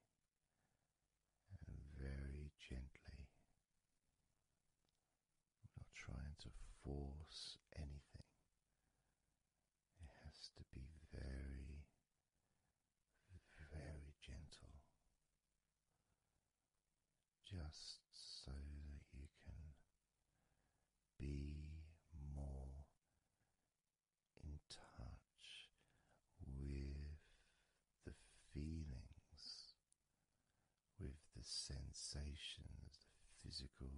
and very gently. not trying to force anything, it has to be very, very gentle. Just so that you can be more in touch with the feelings, with the sensations, the physical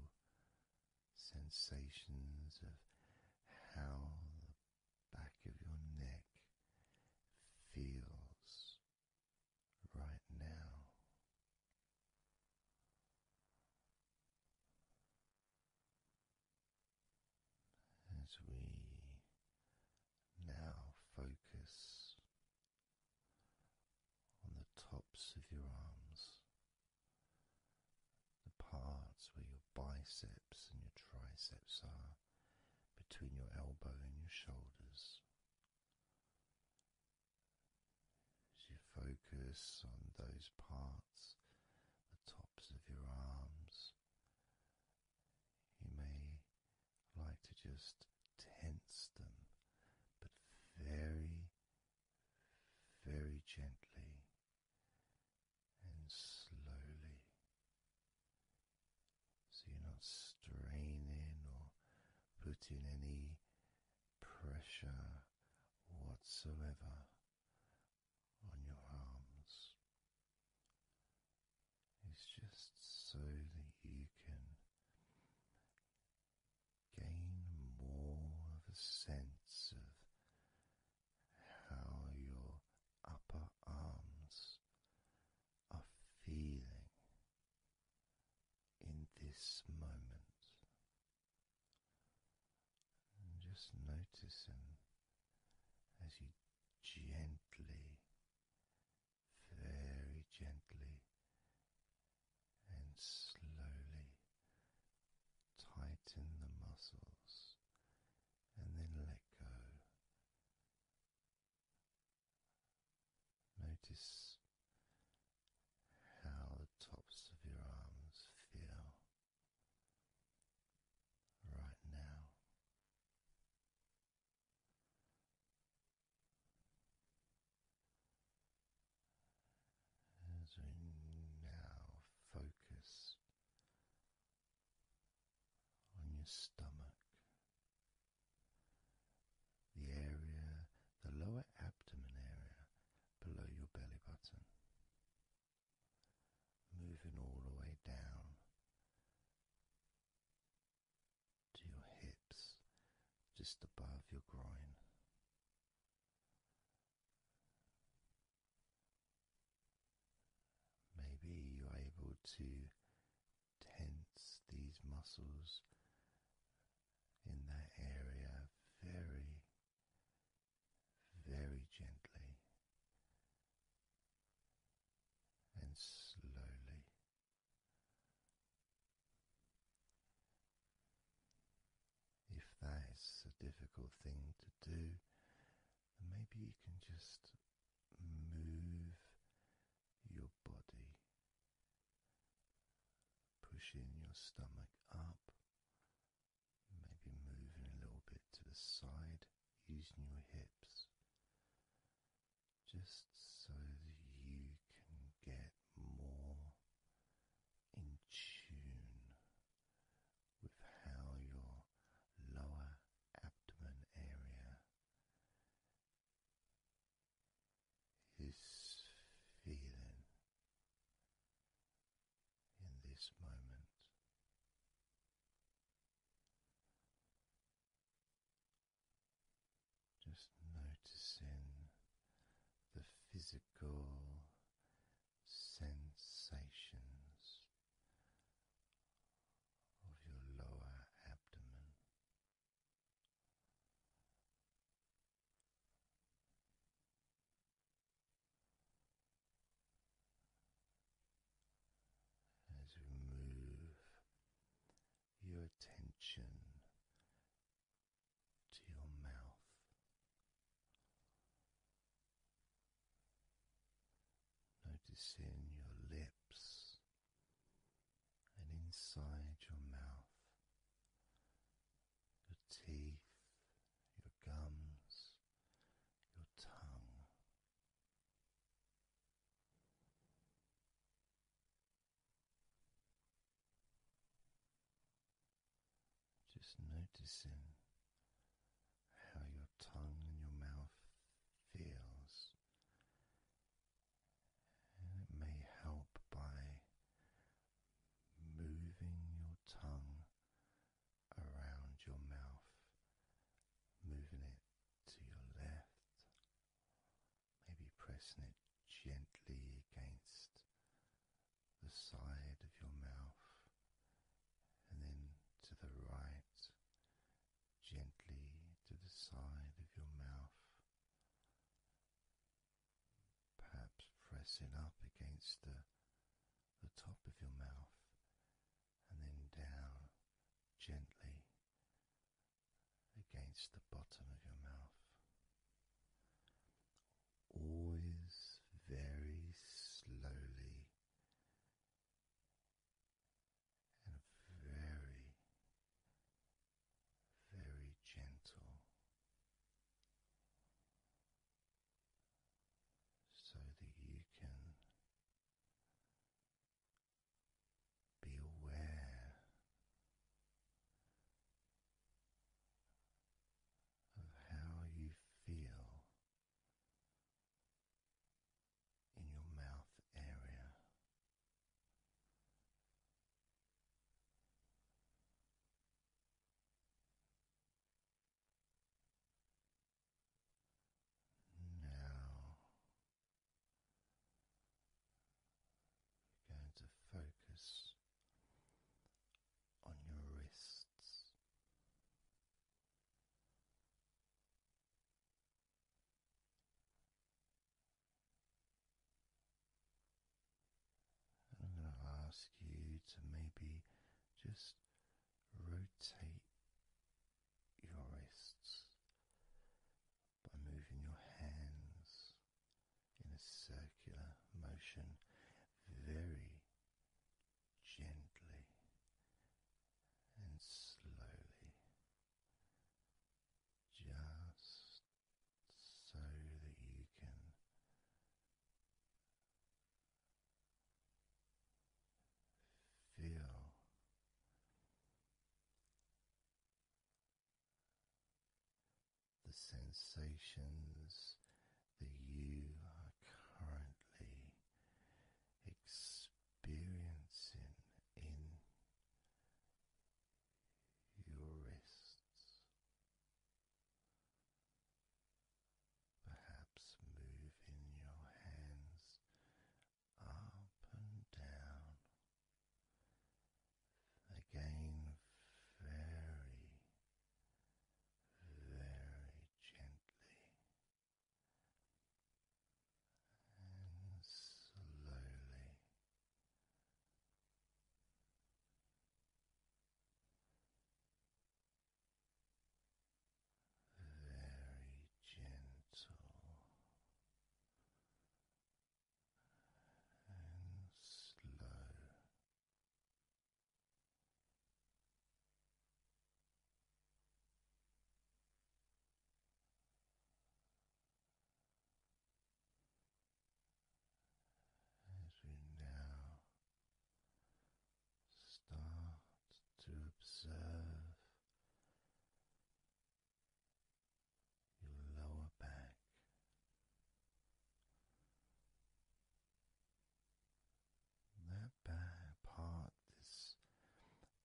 sensations of how the back of your neck feels right now. As we now focus on the tops of your arms, the parts where your biceps and your triceps are, between your elbow and your shoulders, as you focus on those parts, the tops of your arms, you may like to just tense them, but very, very gently and slowly. So you're not straining or putting any pressure whatsoever on your arms. It's just so that you can gain more of a sense of how your upper arms are feeling in this moment. And just noticing as you gently, very gently, and slowly tighten the muscles and then let go. Notice how the tops of your arms feel right now. As we now focus on your stomach, the area, the lower abdomen area below your belly button, moving all the way down to your hips, just above your groin. Maybe you're able to tense these muscles in that area very very gently and slowly. If that's a difficult thing to do, maybe you can just move your body, pushing your stomach up Maybe moving a little bit to the side using your hips just so that you can get more in tune with how your lower abdomen area is feeling in this moment. Just noticing the physical sensations of your lower abdomen, as you move your attention to your mouth, noticing your lips and inside your mouth, your teeth, your gums, your tongue. Just noticing how your tongue and your mouth feels, and it may help by moving your tongue around your mouth, moving it to your left, maybe pressing it gently against the side of your mouth, and then to the right, gently to the side of your mouth perhaps pressing up against the, top of your mouth and then down gently against the bottom of your mouth. Always very slowly and very, very gentle so that you can be aware of how you feel in your mouth area. Now we're going to focus on your wrists. I'm going to ask you to maybe just rotate your wrists by moving your hands in a circular motion very gently and slowly, just so that you can Feel the sensations that you are currently experiencing in your wrists. Perhaps moving your hands up and down. Again, very, very gently and slowly very gentle and slow. As we now start to observe your lower back. That back part is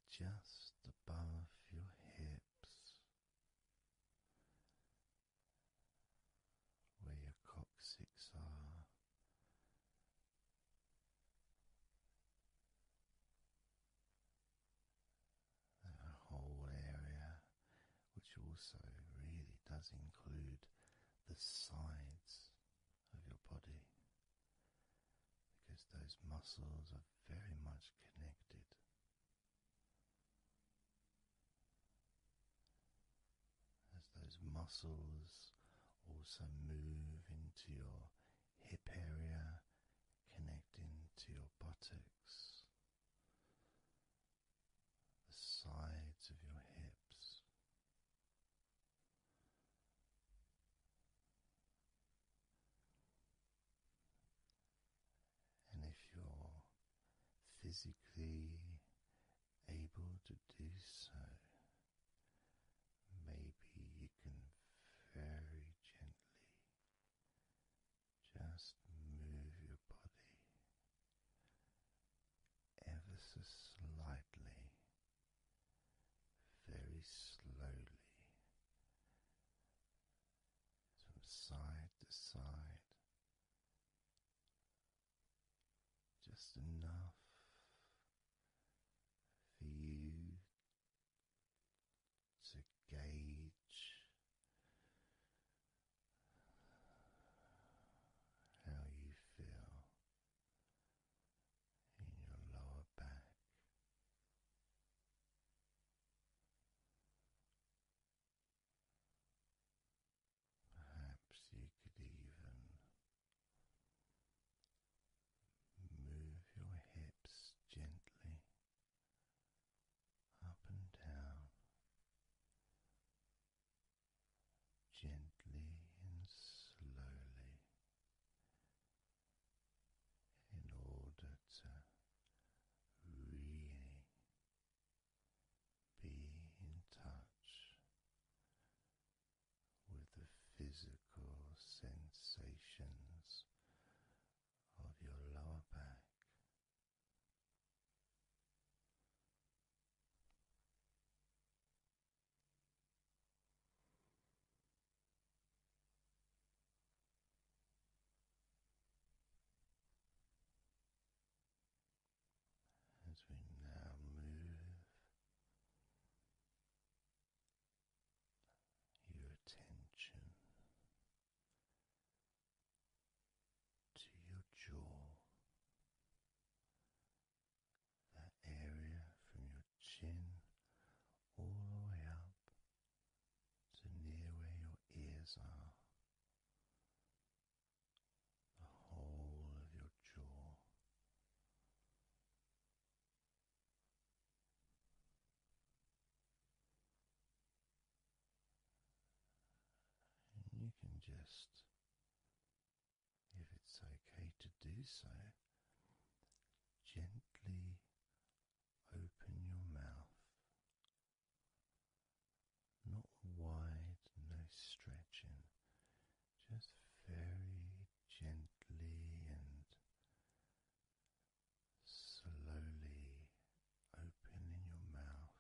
just above your hips where your coccyx are. The whole area, which also really does include the sides of your body, because those muscles are very much connected as those muscles also move into your hip area, connecting to your buttocks, the sides of your hips. And if you're physically able to do so, maybe you can very gently just move your body ever so slightly, very slowly. From side to side, just enough for you to gauge how you feel in your lower back. Perhaps you could even move your hips gently up and down, gently and slowly, in order to really. Be in touch with the physical sensations of your lower back as we now move your attention to your jaw, that area from your chin all the way up to near where your ears are the whole of your jaw. you can just, if it's okay to do so, gently open your mouth. Not wide, no stretching, just very gently and slowly opening your mouth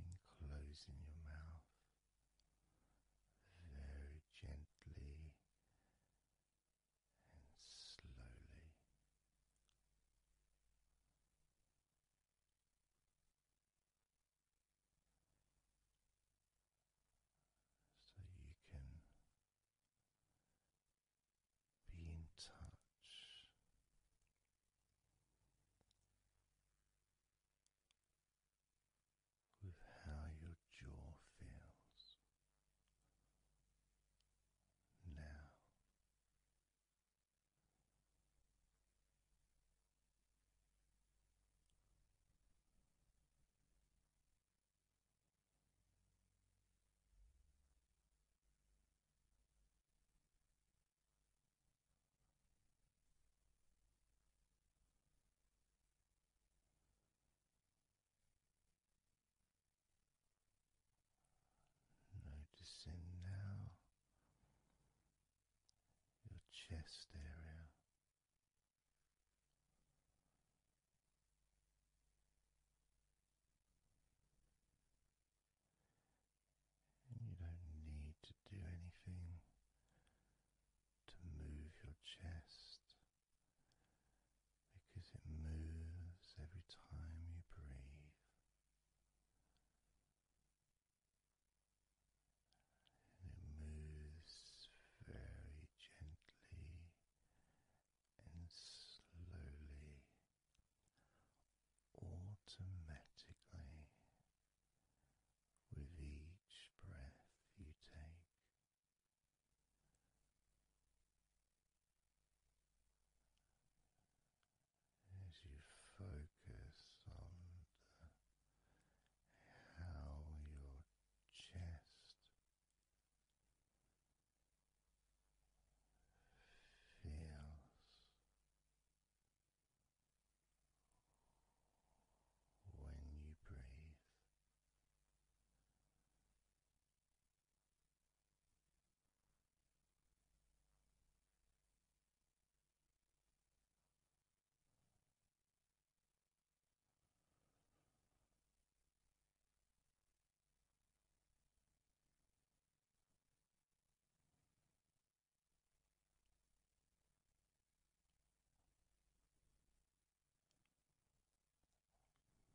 and closing your mouth very gently and slowly so you can be in touch with how your jaw feels now. Noticing now your chest area. And you don't need to do anything to move your chest because it moves every time you breathe and it moves very gently and slowly, automatically, with each breath you take as you focus on the, how your chest feels. When you breathe,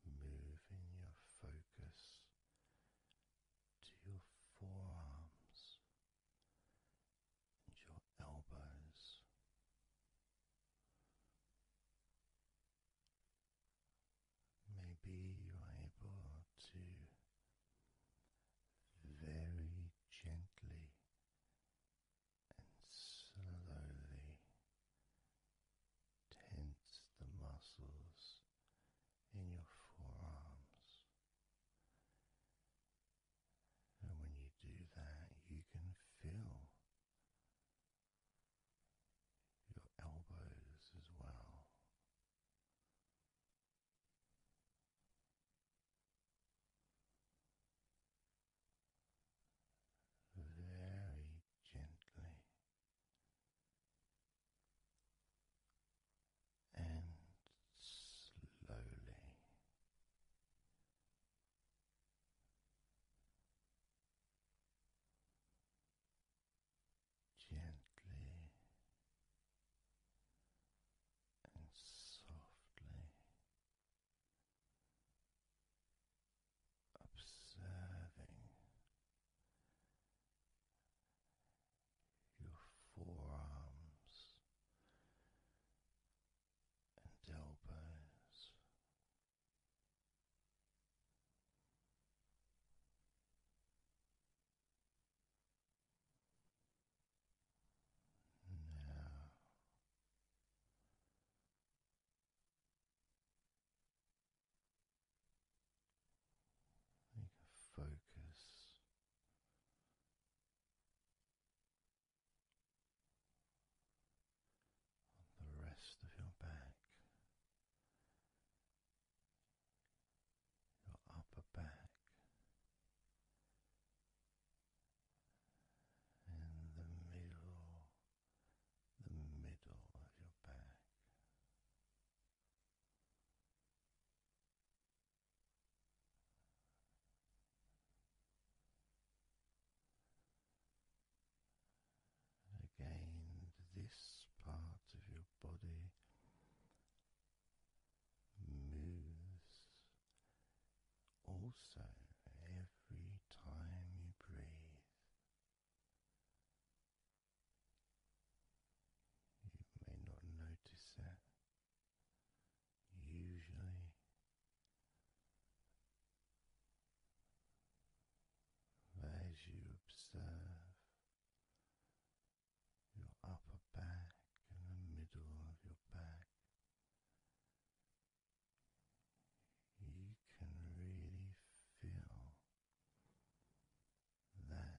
Moving your focus to your forearms and your elbows. Maybe you're able to very gently and slowly tense the muscles in your forearms and when you do that, you can feel your elbows as well. Very gently and slowly. Gently and softly observing your forearms and elbows. Now you can focus on the rest of your back, your upper back, in the middle, the middle of your back. Again, this part of your body moves also every time you breathe. You may not notice it usually as you observe your upper back and the middle of your back, you can really feel that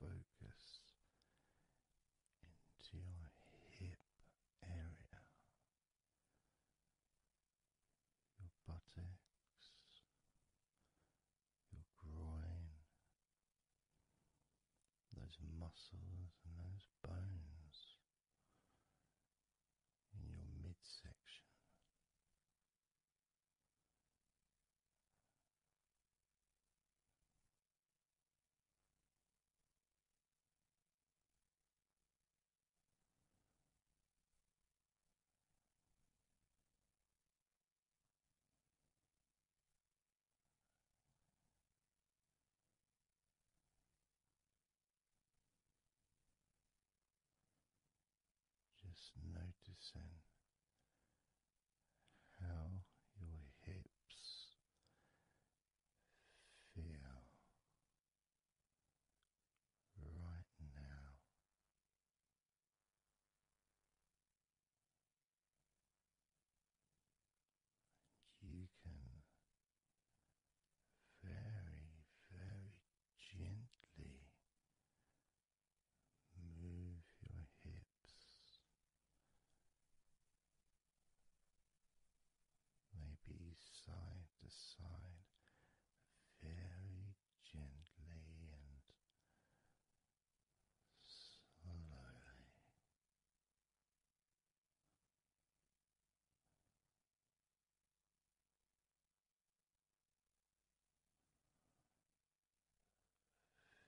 Moving your focus into your hip area, your buttocks, your groin, those muscles and those bones in your midsection. Just noticing how your hips feel right now. You can very, very gently move your hips maybe side to side, very gently and slowly.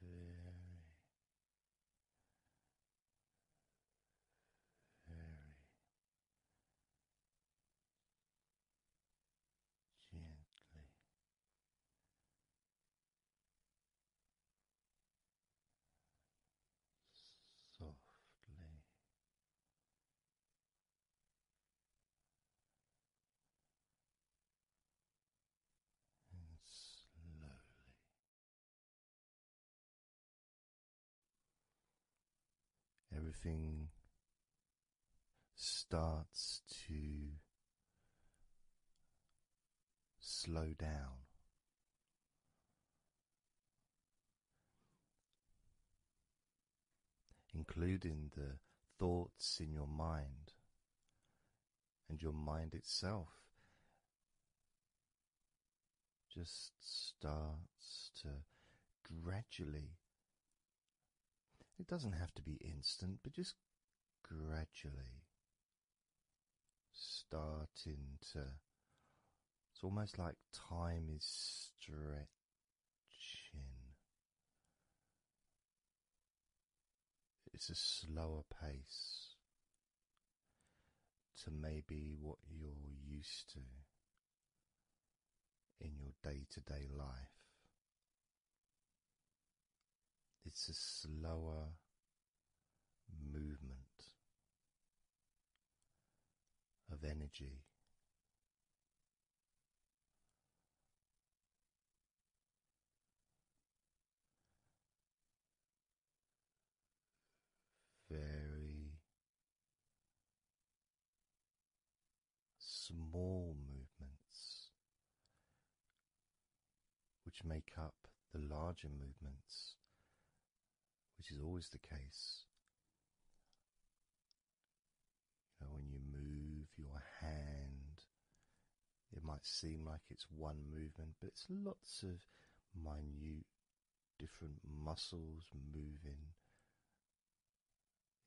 Very very gently. Softly and slowly Everything starts to slow down. Including the thoughts in your mind and your mind itself just starts to gradually, it doesn't have to be instant, but just gradually starting to. It's almost like time is stretching. It's a slower pace, to maybe what you're used to in your day to day life. It's a slower movement of energy very small movements which make up the larger movements, which is always the case. You when you move your hand, it might seem like it's one movement, but it's lots of minute different muscles moving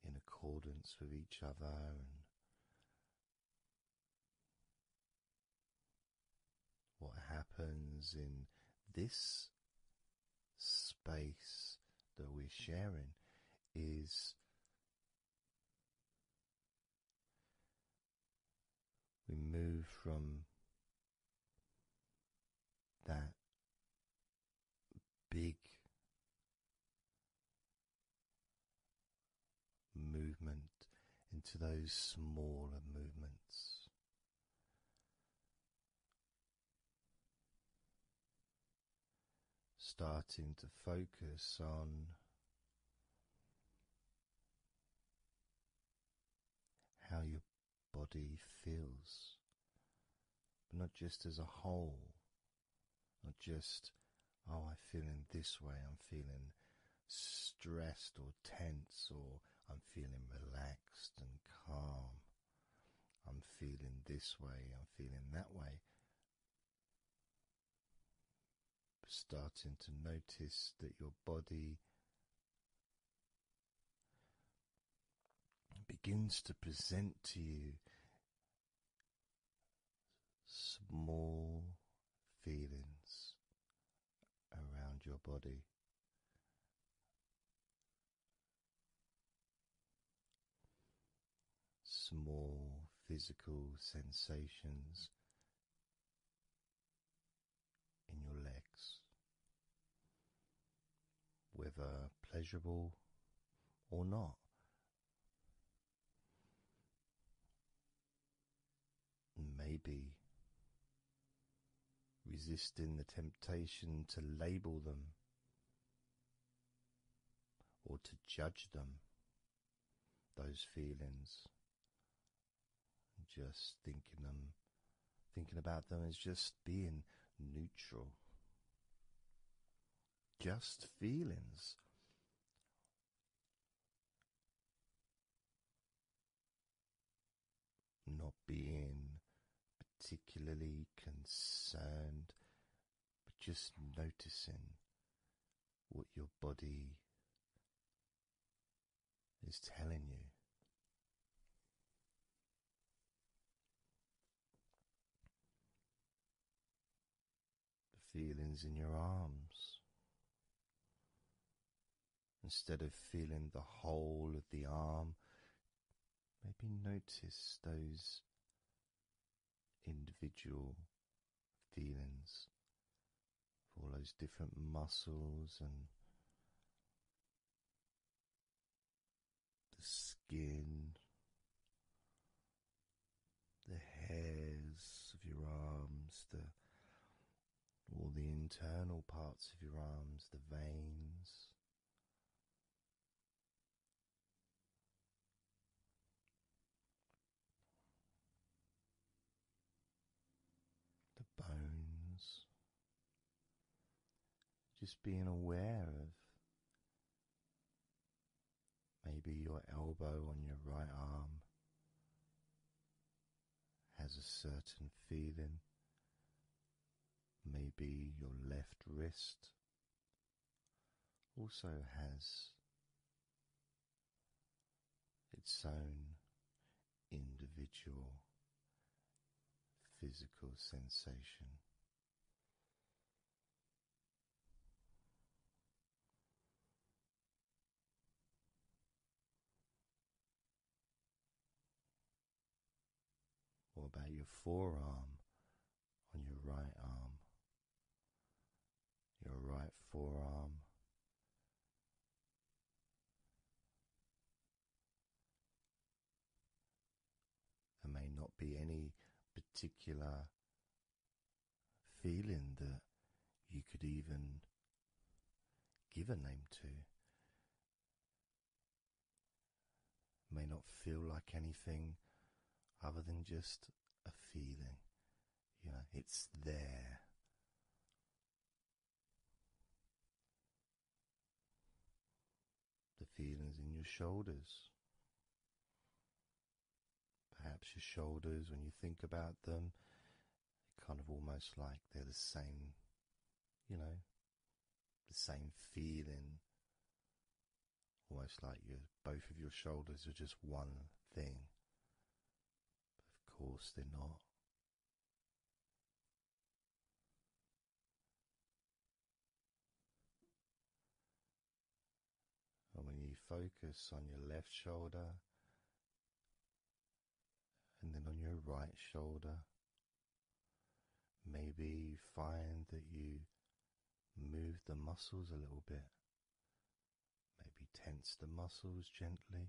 in accordance with each other and what happens in this space that we're sharing is we move from that big movement into those smaller movements. Starting to focus on how your body feels, not just as a whole, not just, oh, I'm feeling this way, I'm feeling stressed or tense, or I'm feeling relaxed and calm, I'm feeling this way, I'm feeling that way. Starting to notice that your body begins to present to you small feelings around your body. Small physical sensations in your legs, whether pleasurable or not. Maybe resisting the temptation to label them or to judge them, those feelings just thinking them, thinking about them is just being neutral. Just feelings. Not being particularly concerned, but just noticing what your body is telling you. The feelings in your arms. Instead of feeling the whole of the arm, maybe notice those individual feelings all those different muscles and the skin, the hairs of your arms, the all the internal parts of your arms, the veins. The bones, just being aware of maybe your elbow on your right arm has a certain feeling, maybe your left wrist also has its own individual physical sensation. What about your forearm on your right arm? Your right forearm there may not be any particular feeling that you could even give a name to. may not feel like anything other than just a feeling. You know, it's there. The feelings in your shoulders. Perhaps your shoulders, when you think about them, kind of almost like they're the same, you know, the same feeling. Almost like you both of your shoulders are just one thing. of course, they're not. And when you focus on your left shoulder and then on your right shoulder, maybe find that you move the muscles a little bit, maybe tense the muscles gently.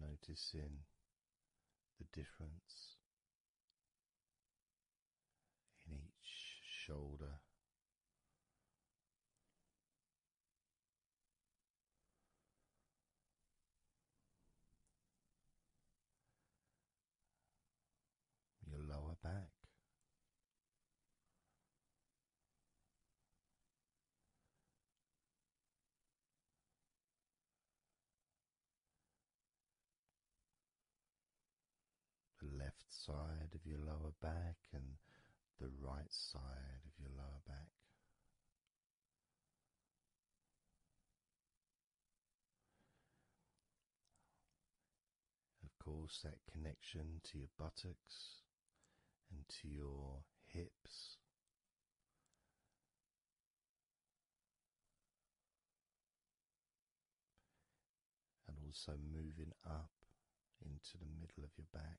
Noticing the difference in each shoulder. Your lower back, the left side of your lower back and the right side of your lower back. Of course, that connection to your buttocks and to your hips. And also moving up into the middle of your back.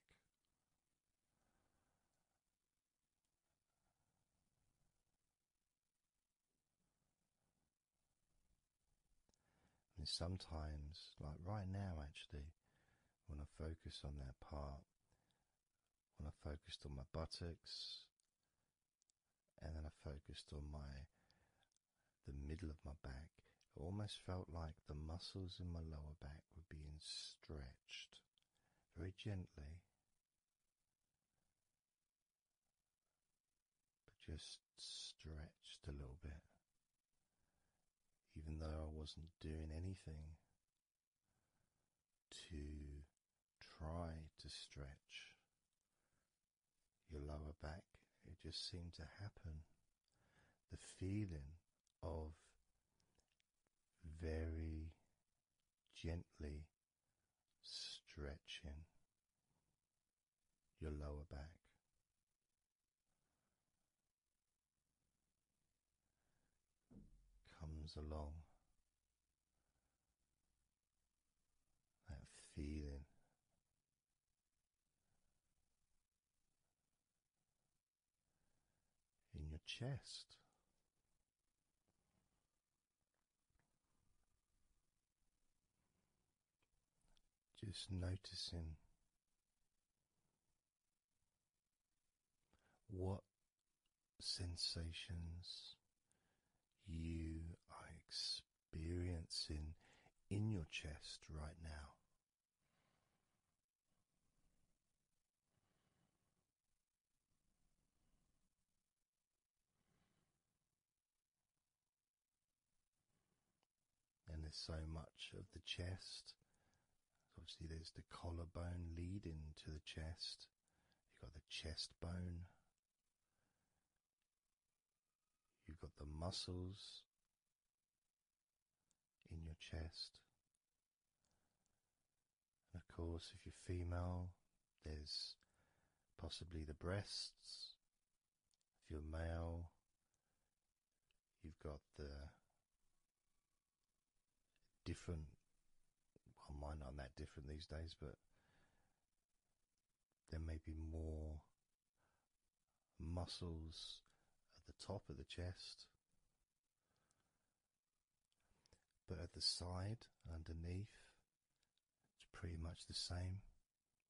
And sometimes, like right now, actually, when I focused on that part, when I focused on my buttocks, and then I focused on my the middle of my back, it almost felt like the muscles in my lower back were being stretched very gently. But just stretched a little bit. Even though I wasn't doing anything to try to stretch your lower back. It just seemed to happen. The feeling of very gently stretching your lower back comes along. That feeling. In your chest, just noticing what sensations you are experiencing in your chest right now. And there's so much of the chest Obviously, there's the collarbone leading to the chest. You've got the chest bone. You've got the muscles in your chest. And of course, if you're female, there's possibly the breasts. If you're male, you've got the different. Well, mine not that different these days, but there may be more muscles at the top of the chest, but at the side, underneath, it's pretty much the same.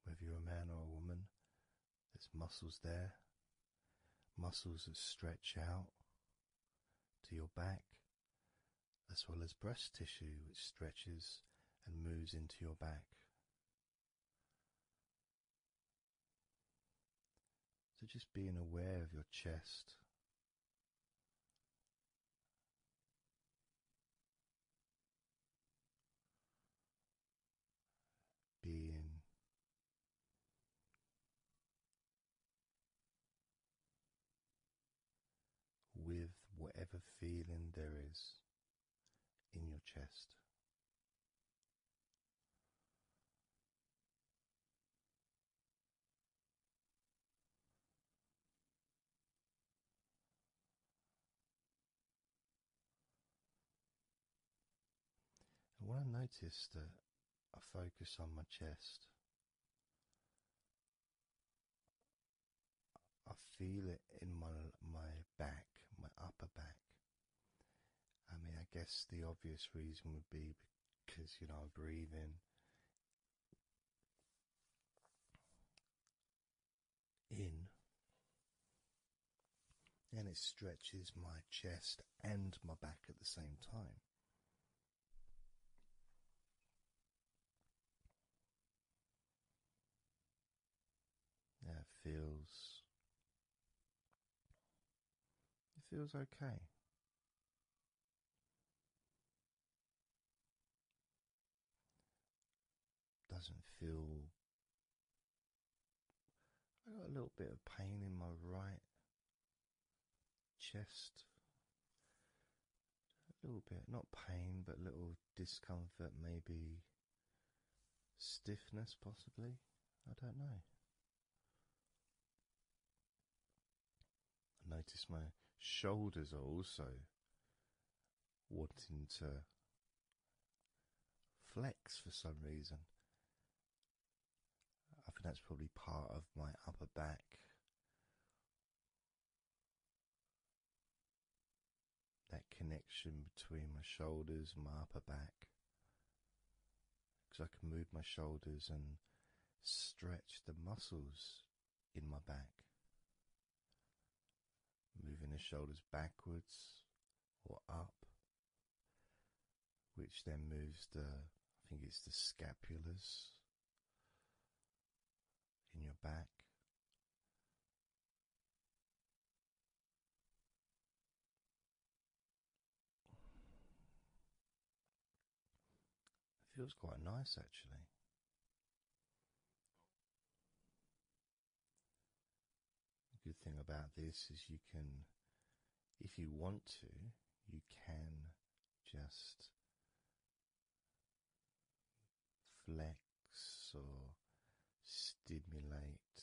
Whether you're a man or a woman, there's muscles there, muscles that stretch out to your back, as well as breast tissue which stretches and moves into your back. So just being aware of your chest. Being with whatever feeling there is in your chest. And what I noticed that I focus on my chest. I feel it in my my back, my upper back. I mean, I guess the obvious reason would be because you know I breathe in. In and it stretches my chest and my back at the same time. That feels it feels okay. Doesn't feel I got a little bit of pain in my right chest. A little bit, not pain, but a little discomfort, maybe stiffness, possibly. I don't know. I notice my shoulders are also wanting to flex for some reason. I think that's probably part of my upper back. That connection between my shoulders my upper back. Because I can move my shoulders and stretch the muscles in my back. Moving the shoulders backwards or up which then moves the, I think it's the scapulars in your back. It feels quite nice actually. The good thing about this is you can, if you want to, you can just flex or stimulate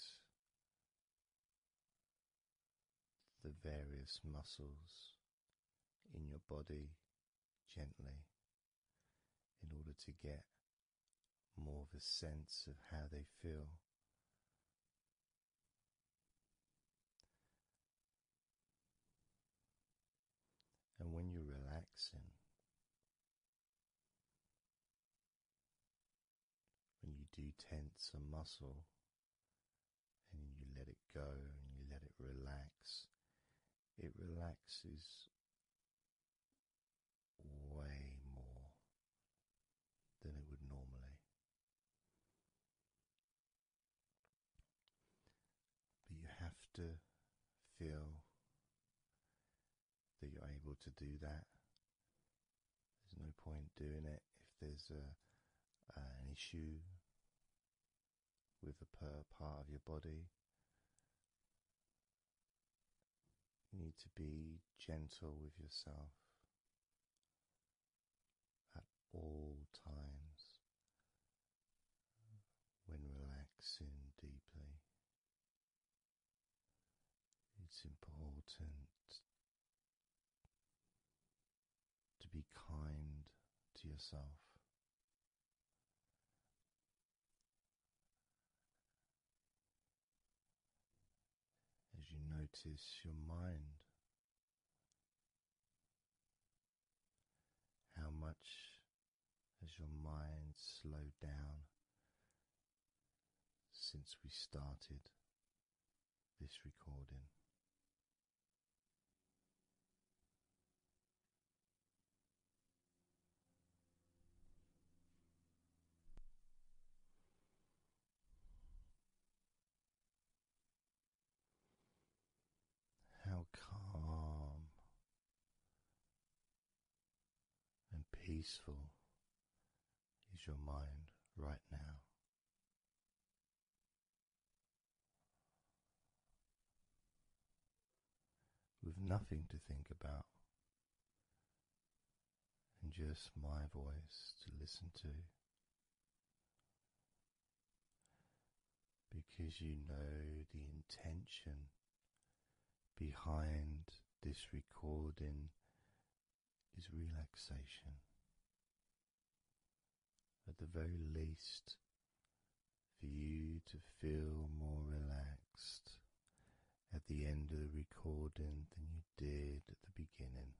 the various muscles in your body gently in order to get more of a sense of how they feel and when you're relaxing, when you do tense a muscle and you let it go and you let it relax, it relaxes way more than it would normally. But you have to feel that you're able to do that. There's no point doing it if there's an issue with a part of your body. You need to be gentle with yourself at all times when relaxing deeply. It's important to be kind to yourself. As you notice your mind how much has your mind slowed down since we started this recording? How calm and peaceful is your mind right now? With nothing to think about, and just my voice to listen to because you know the intention behind this recording is relaxation. At the very least, for you to feel more relaxed at the end of the recording than you did at the beginning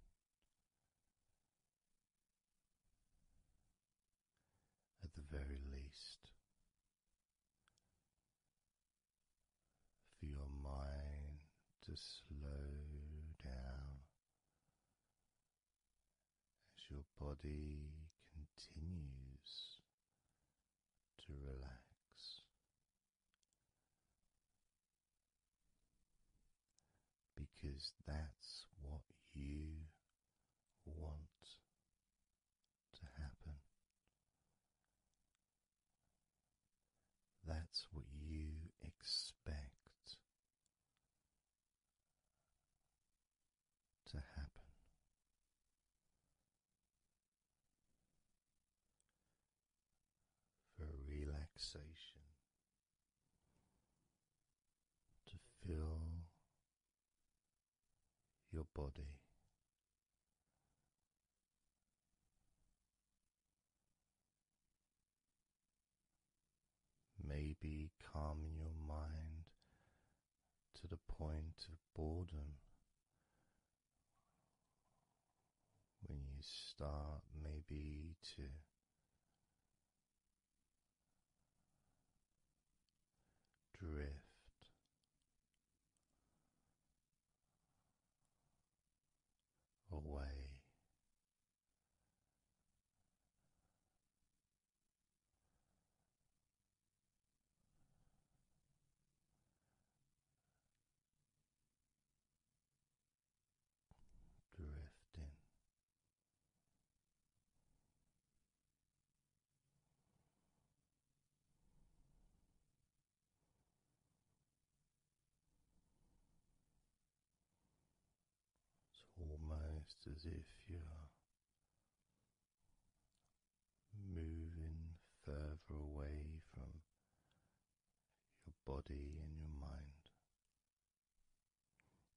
at the very least, for your mind to slow down as your body continues to relax because that's what you want to happen. That's what you expect to happen. For relaxation to fill your body. Maybe calm your mind to the point of boredom when you start, maybe to drift. Away drifting it's almost as if you're moving further away from your body and your mind.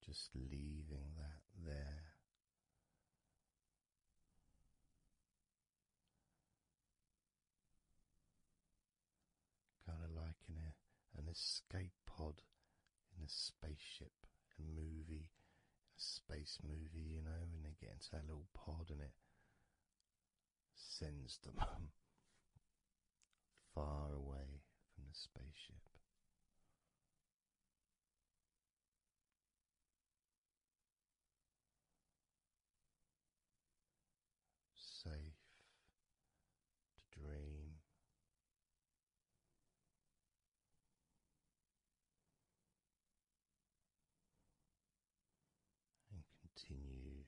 Just leaving that there. Kind of like in an escape pod in a spaceship, in a movie, a space movie, you know, and they get into that little pod and it sends them far away from the spaceship safe to dream. And continue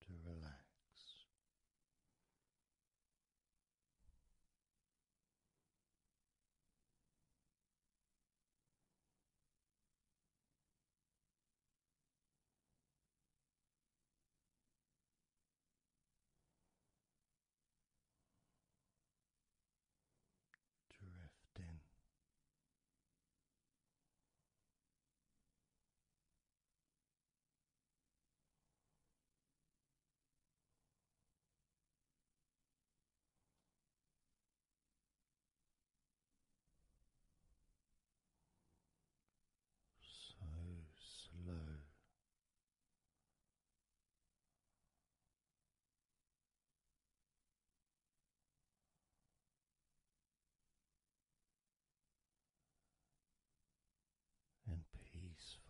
to relax. Drift in. So slow and peaceful.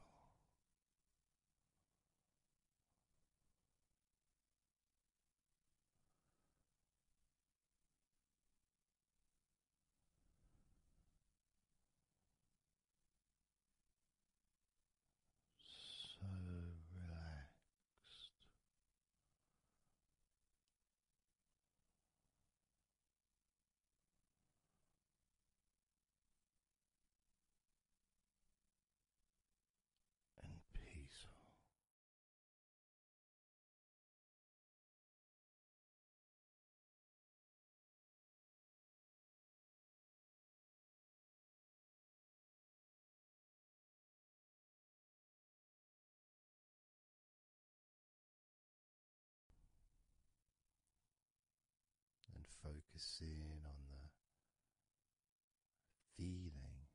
So relaxed and peaceful and focusing on the feeling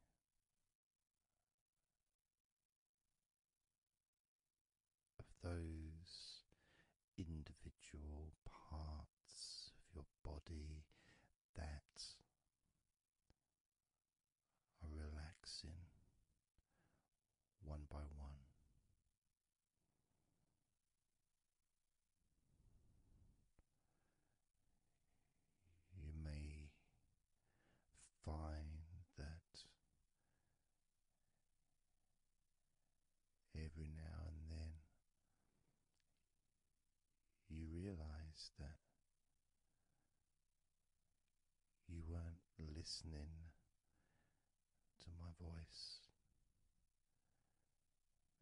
of those individual parts of your body that are relaxing one by one. You may find that every now and then you realize that you weren't listening to my voice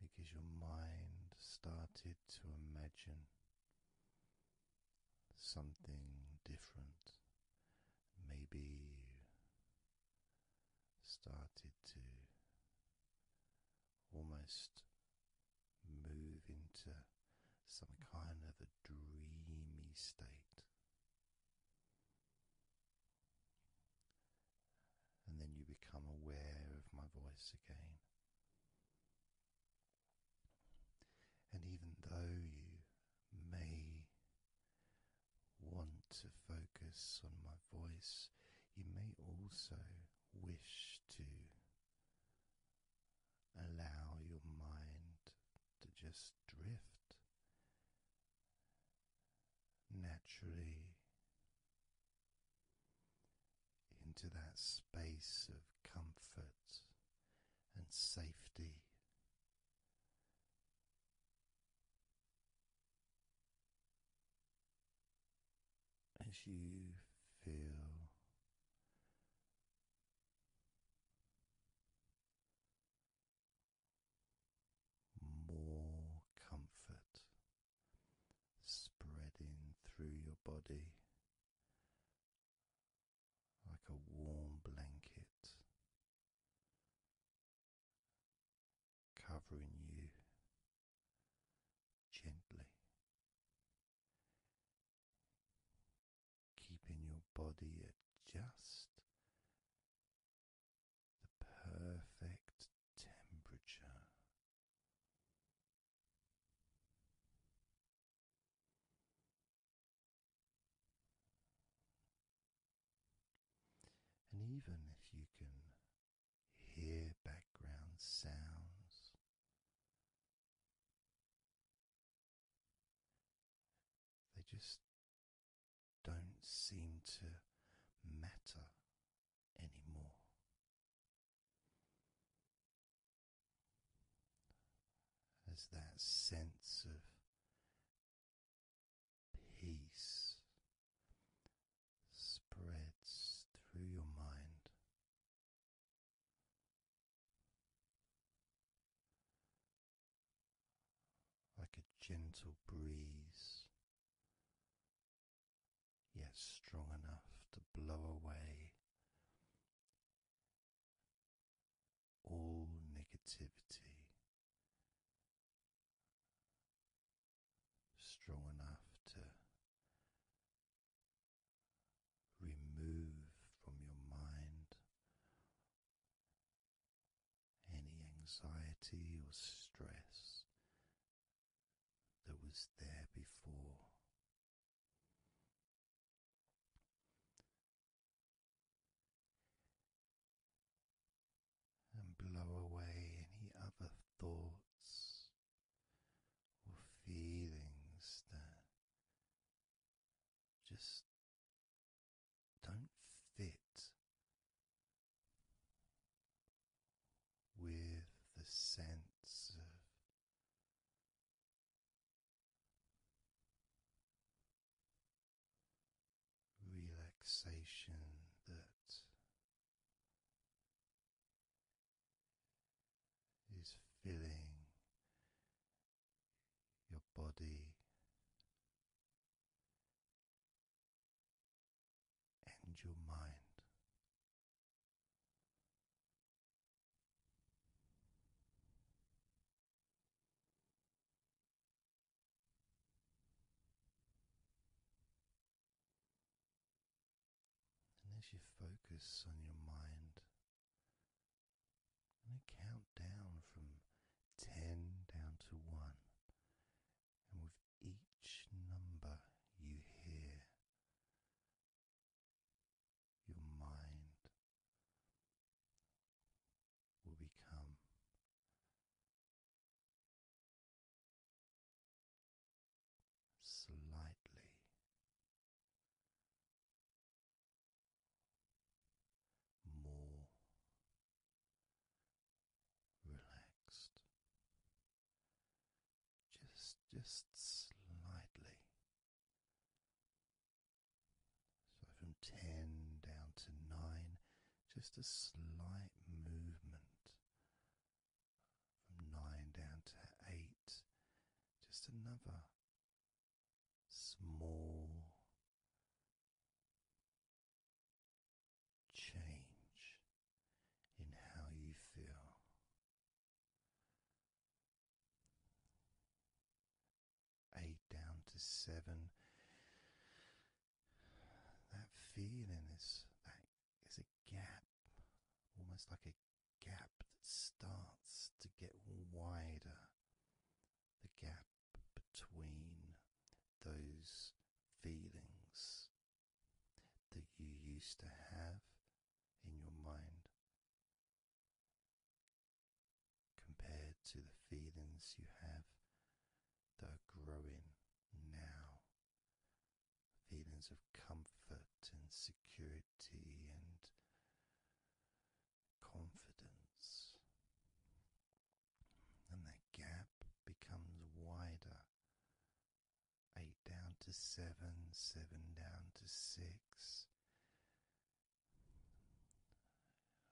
because your mind started to imagine something different. Maybe started to almost move into some kind of a dreamy state. And then you become aware of my voice again. And even though you may want to focus on my voice, you may also wish to allow your mind to just drift naturally into that space of comfort and safety. As you feel more comfort spreading through your body like a warm blanket covering you gently keeping your body at just the perfect temperature. And even if you can hear background sounds, they just don't seem to matter anymore. As that sense of peace spreads through your mind, like a gentle breeze, yet strong enough to blow away all negativity. Strong enough to remove from your mind any anxiety or stress that was there before. And blow away any other thoughts or feelings that just don't fit with the sense of. Relaxation that is filling your body and your mind. And as you focus on your mind, i count down from ten down to one, and with each number you hear, your mind will become slightly more relaxed just just slightly so from 10 down to 9 just a slight movement from 9 down to 8 just another small change in how you feel. Eight down to seven. That feeling is that is a gap, almost like a gap that starts to get wider. The gap between those feelings that you used to have in your mind compared to the feelings you have that are growing now feelings of comfort and security and confidence and that gap becomes wider. Eight down to seven, seven down to six.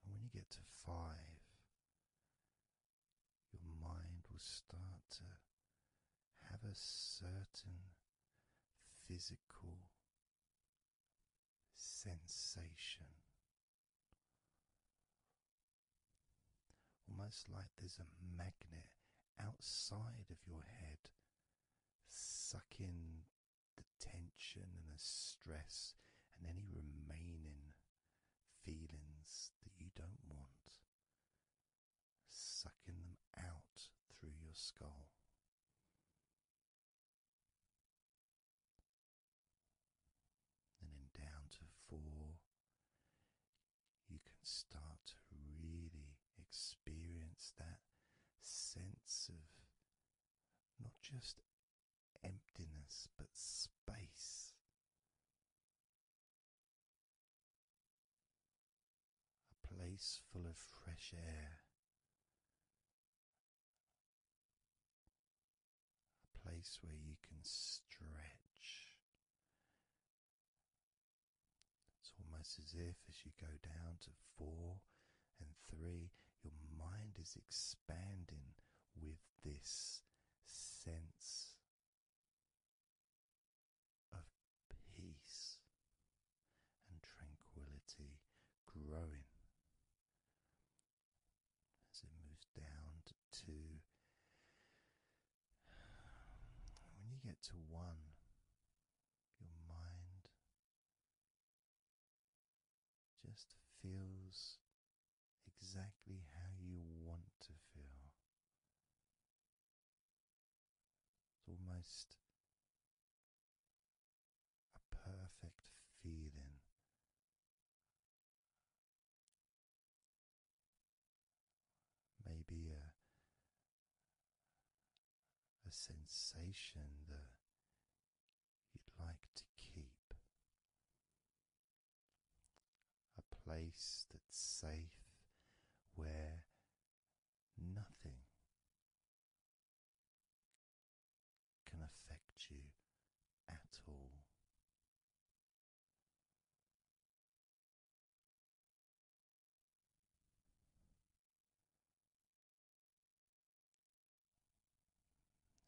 And when you get to five, your mind will start to have a certain physical sensation Almost like there's a magnet outside of your head sucking the tension and the stress and any remaining feelings that you don't want, sucking them out through your skull and then down to four, you can start to really experience that sense of not just emptiness but space. A place full of fresh air, a place where you can stretch. It's almost as if, as you go down to four and three, your mind is expanding with this sense of peace and tranquility growing as it moves down to When you get to one, your mind just feels exactly how you want to feel. It's almost a perfect feeling maybe a a sensation that you'd like to keep, a place that's safe where nothing can affect you at all.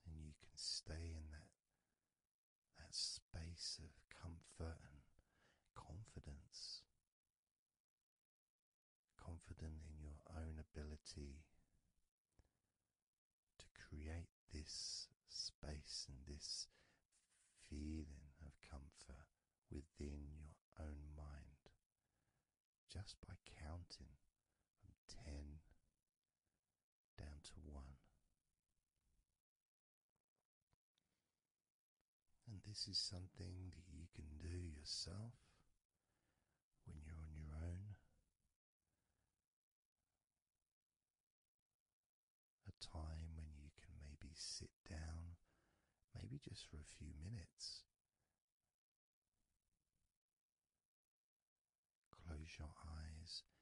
And you can stay in that that space of comfort and confidence. Confident in your own ability to create this space and this feeling of comfort within your own mind just by counting from 10 down to 1. And this is something that you can do yourself when you're on your own a time when you can maybe sit down, maybe just for a few minutes. Close your eyes and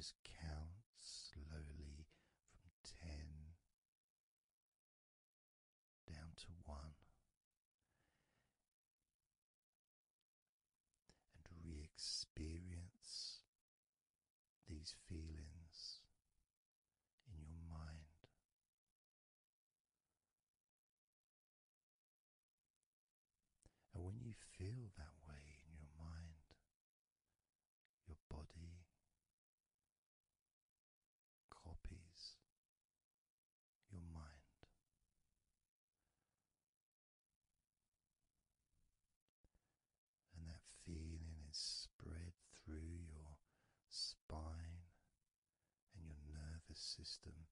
just count slowly from ten down to one and re experience these feelings in your mind. And when you feel that way in your mind, your body copies your mind and that feeling is spread through your spine and your nervous system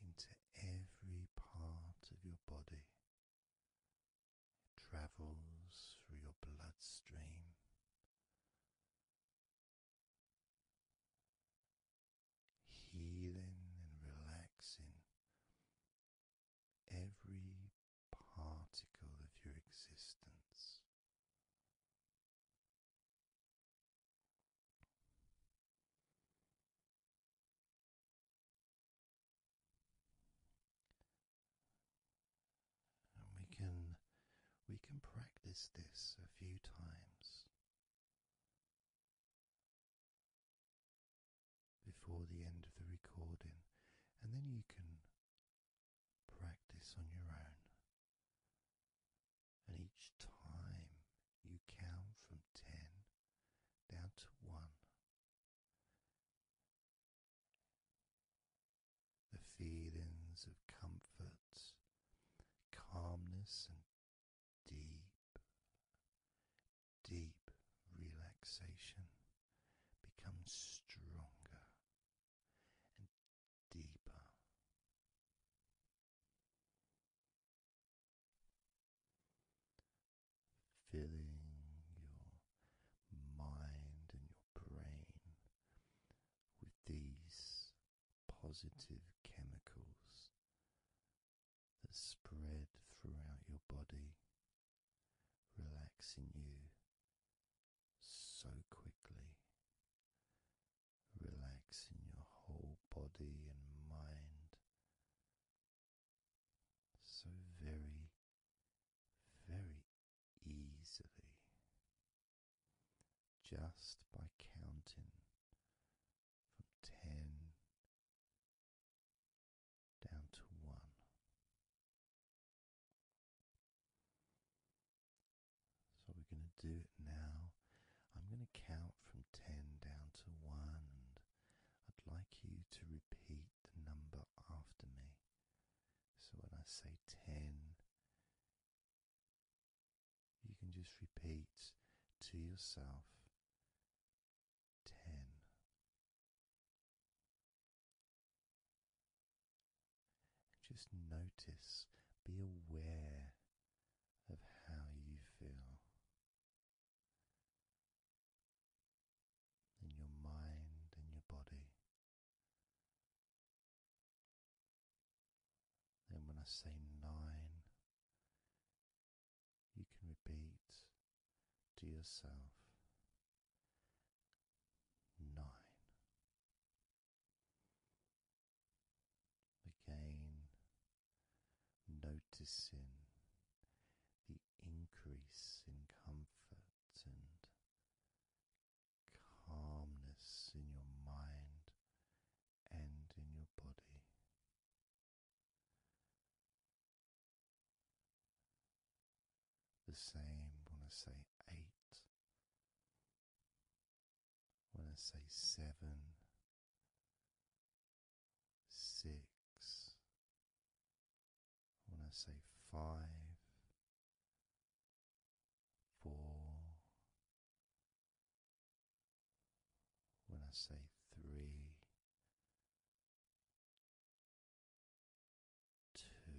into every part of your body. travels through your bloodstream healing and relaxing every particle of your existence. And we can we can practice this a few times before the end of the recording, and then you can practice on your own. And each time you count from 10 down to 1, the feelings of comfort, calmness, and deep, deep relaxation becomes stronger and deeper. Filling your mind and your brain with these positive chemicals that spread throughout your body, relaxing you so quickly, relaxing your whole body and mind so very, very easily. Just by counting from ten down to one. So we're going to do it now. I'm going to count from 10 down to 1, and I'd like you to repeat the number after me. So when I say 10, you can just repeat to yourself ten, just notice, be aware of how you feel. In your mind and your body. Then, when I say nine, you can repeat to yourself nine. Again, noticing the increase in comfort and calmness in your mind and in your body. The same when I say eight, when I say seven, six, when I say five, four, when I say three, two,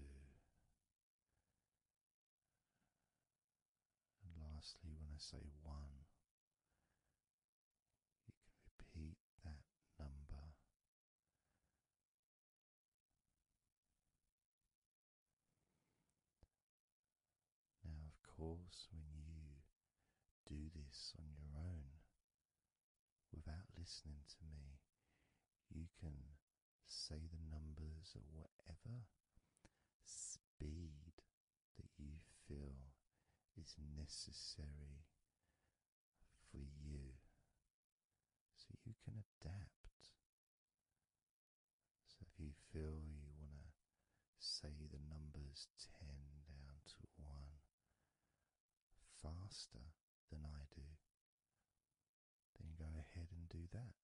and lastly, when I say one, you can repeat that number. Now, of course, when you do this on your own without listening to me. You can say the numbers at whatever speed that you feel is necessary for you. So you can adapt. So if you feel you want to say the numbers 10 down to 1, faster than I do, then go ahead and do that.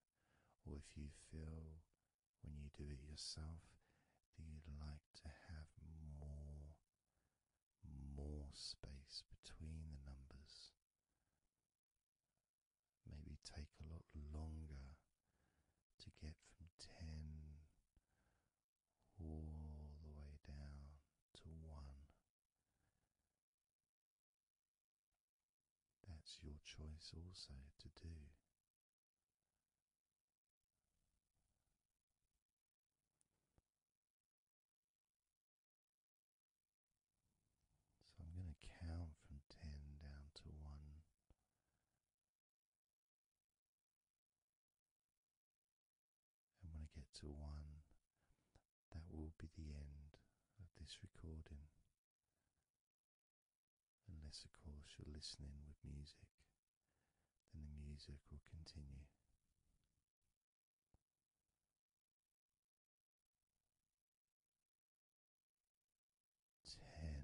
Or if you feel when you do it yourself that you'd like to have more, more space between the numbers, maybe take a lot longer to get from 10 all the way down to one. That's your choice also to do. So I'm going to count from 10 down to 1. And when I get to one, that will be the end of this recording. Unless, of course, you're listening with music, then the music will continue. Ten.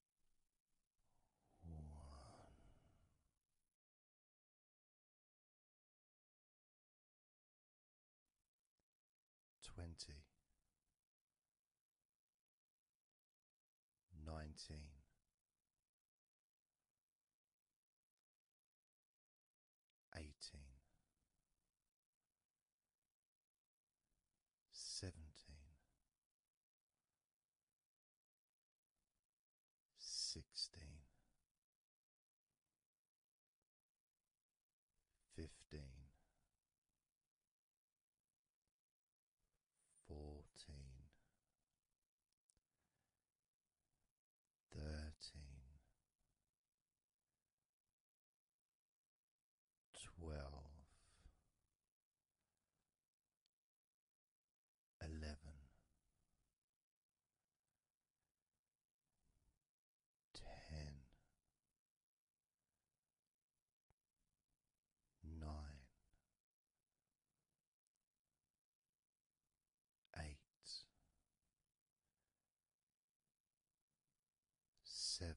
twenty, nineteen, eighteen, seventeen, sixteen, fifteen, fourteen, thirteen, twelve eleven, ten, nine, eight, seven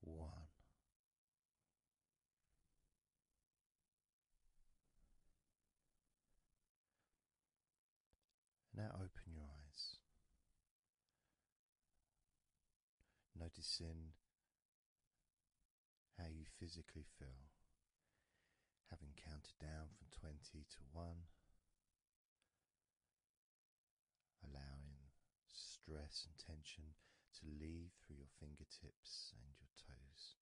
one. Now open your eyes, noticing how you physically feel, having counted down from 20 to 1 allowing stress and tension to leave through your fingertips and your toes.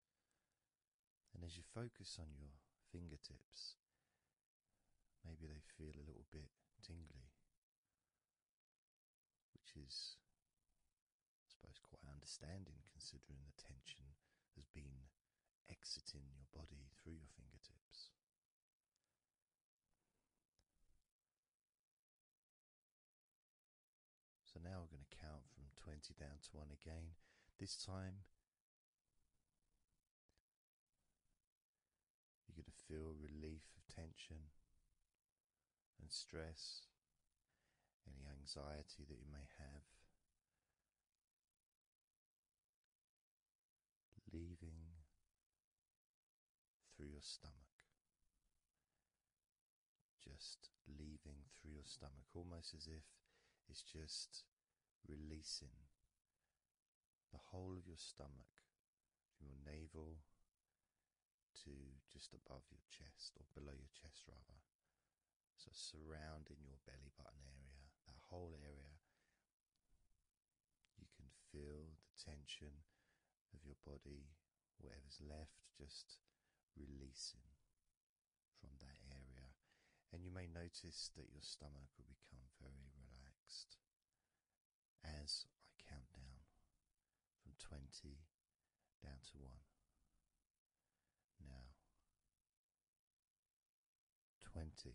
And as you focus on your fingertips, maybe they feel a little bit tingly, which is, I suppose, quite understanding considering the tension has been exiting your body through your fingertips. So now we're going to count from 20 down to 1 again. This time, you're going to feel relief of tension and stress, any anxiety that you may have. Leaving through your stomach. Just leaving through your stomach, almost as if it's just releasing the whole of your stomach, from your navel to just above your chest, or below your chest rather. So, surrounding your belly button area, that whole area, you can feel the tension of your body, whatever's left, just releasing from that area. And you may notice that your stomach will become very relaxed as I count down from 20 down to 1. Now, 20.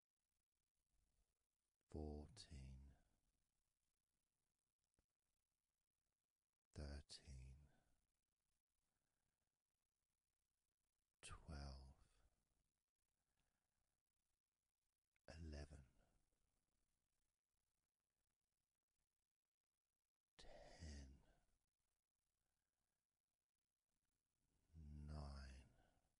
fourteen, thirteen, twelve, eleven, ten, nine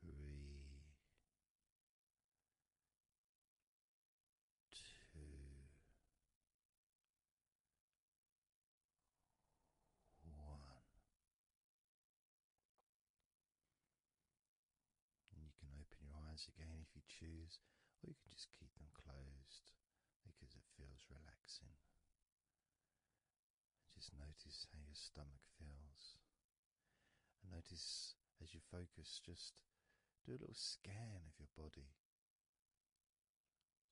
three, two, one. And you can open your eyes again if you choose, or you can just keep them closed because it feels relaxing. just notice how your stomach feels notice as you focus, just do a little scan of your body.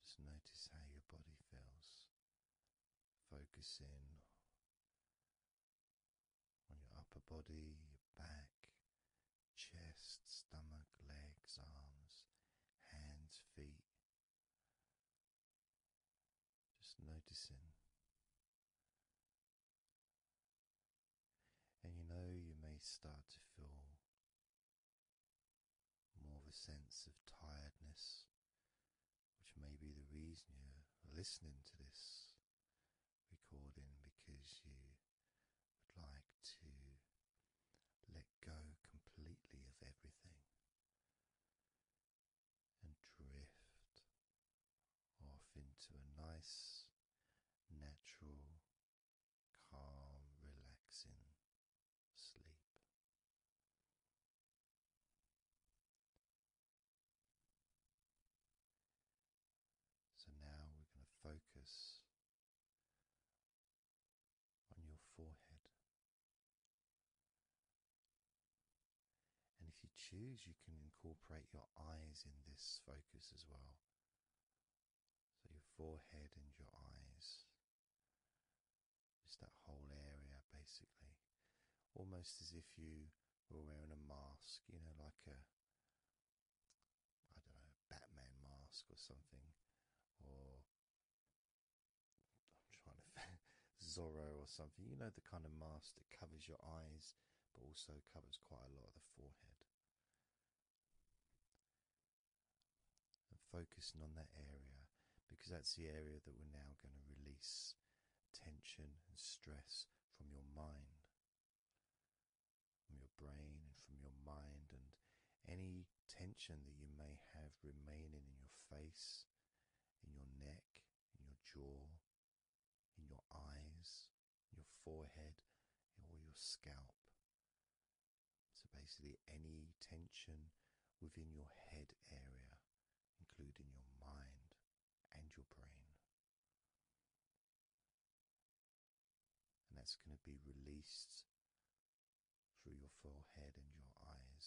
Just notice how your body feels. Focus in on your upper body, back, chest, stomach, legs, arms, hands, feet. Just noticing and you know, you may start to feel more of a sense of tiredness, which may be the reason you're listening to this recording because you would like to let go completely of everything and drift off into a nice, natural, calm, relaxing sleep. So now we're going to focus on your forehead. And if you choose, you can incorporate your eyes in this focus as well. So your forehead and your eyes. Just that whole area, basically. Almost as if you were wearing a mask, you know, like a, I don't know, Batman mask or something. Or, I'm Zorro or something. You know, the kind of mask that covers your eyes but also covers quite a lot of the forehead. And focusing on that area because that's the area that we're now going to release tension and stress from your mind, from your brain, and from your mind, and any tension that you may have remaining in your face, in your neck, in your jaw, in your eyes, your forehead, or your scalp. So basically, any tension within your head area, including your mind and your brain. And that's going to be released through your forehead and your eyes.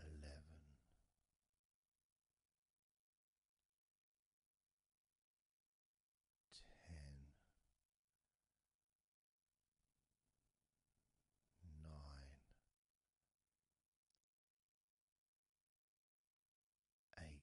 eleven. nine, eight,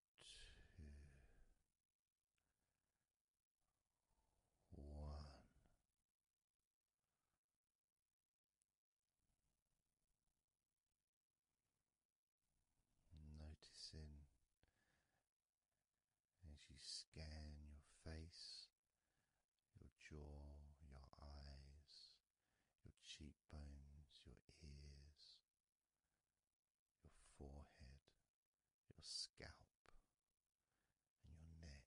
one. Noticing as you scan your face, your jaw, your eyes, your cheekbones, your ears, your forehead, your scalp, and your neck,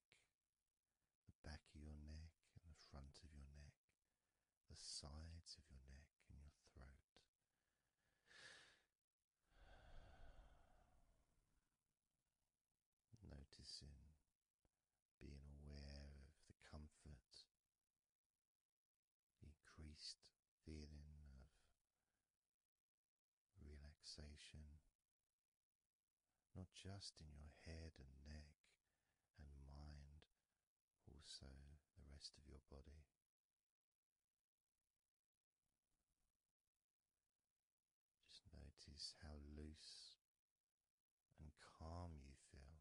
the back of your neck, and the front of your neck, the sides of your neck, and your throat. Noticing, being aware of the comfort, the increased feeling of relaxation, not just in your head and neck and mind, also the rest of your body. Just notice how loose and calm you feel,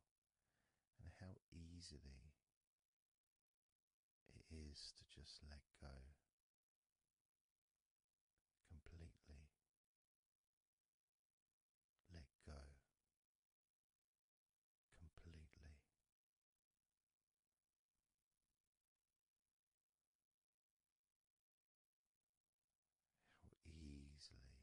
and how easily it is to just let go completely. Let go completely. How easily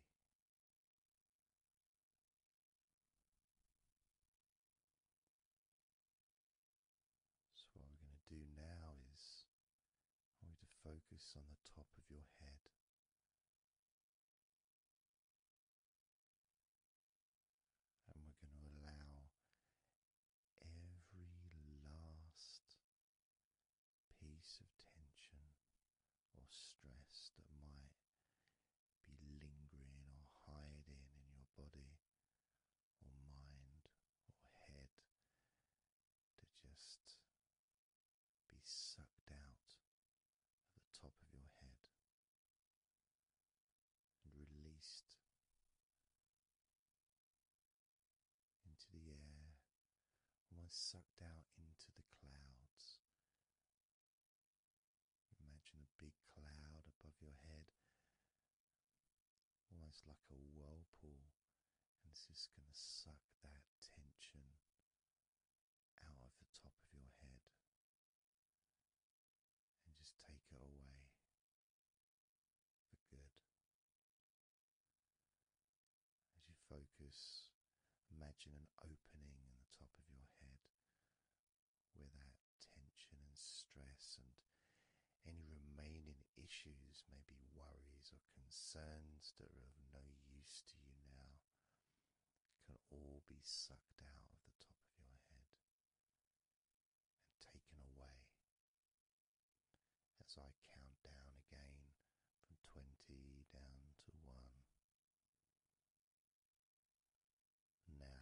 so, what we're going to do now is we're going to focus on the top of your head. And we're going to allow every last piece of tension or stress that might be lingering or hiding in your body or mind or head to just be sucked out at the top of your head and released into the air, almost sucked out into the clouds. Imagine a big cloud above your head almost like a whirlpool, and it's just going to suck that tension out of the top of your head and just take it away for good. As you focus, imagine an opening in the top of your head where that tension and stress, and any remaining issues, maybe worries or concerns that are of no use to you now, can all be sucked out of the top of your head and taken away. As I count down again from 20 down to 1. Now,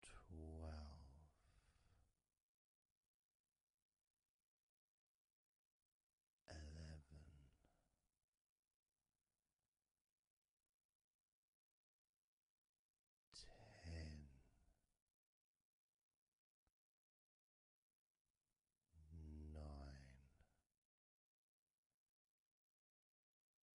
twelve. Eleven,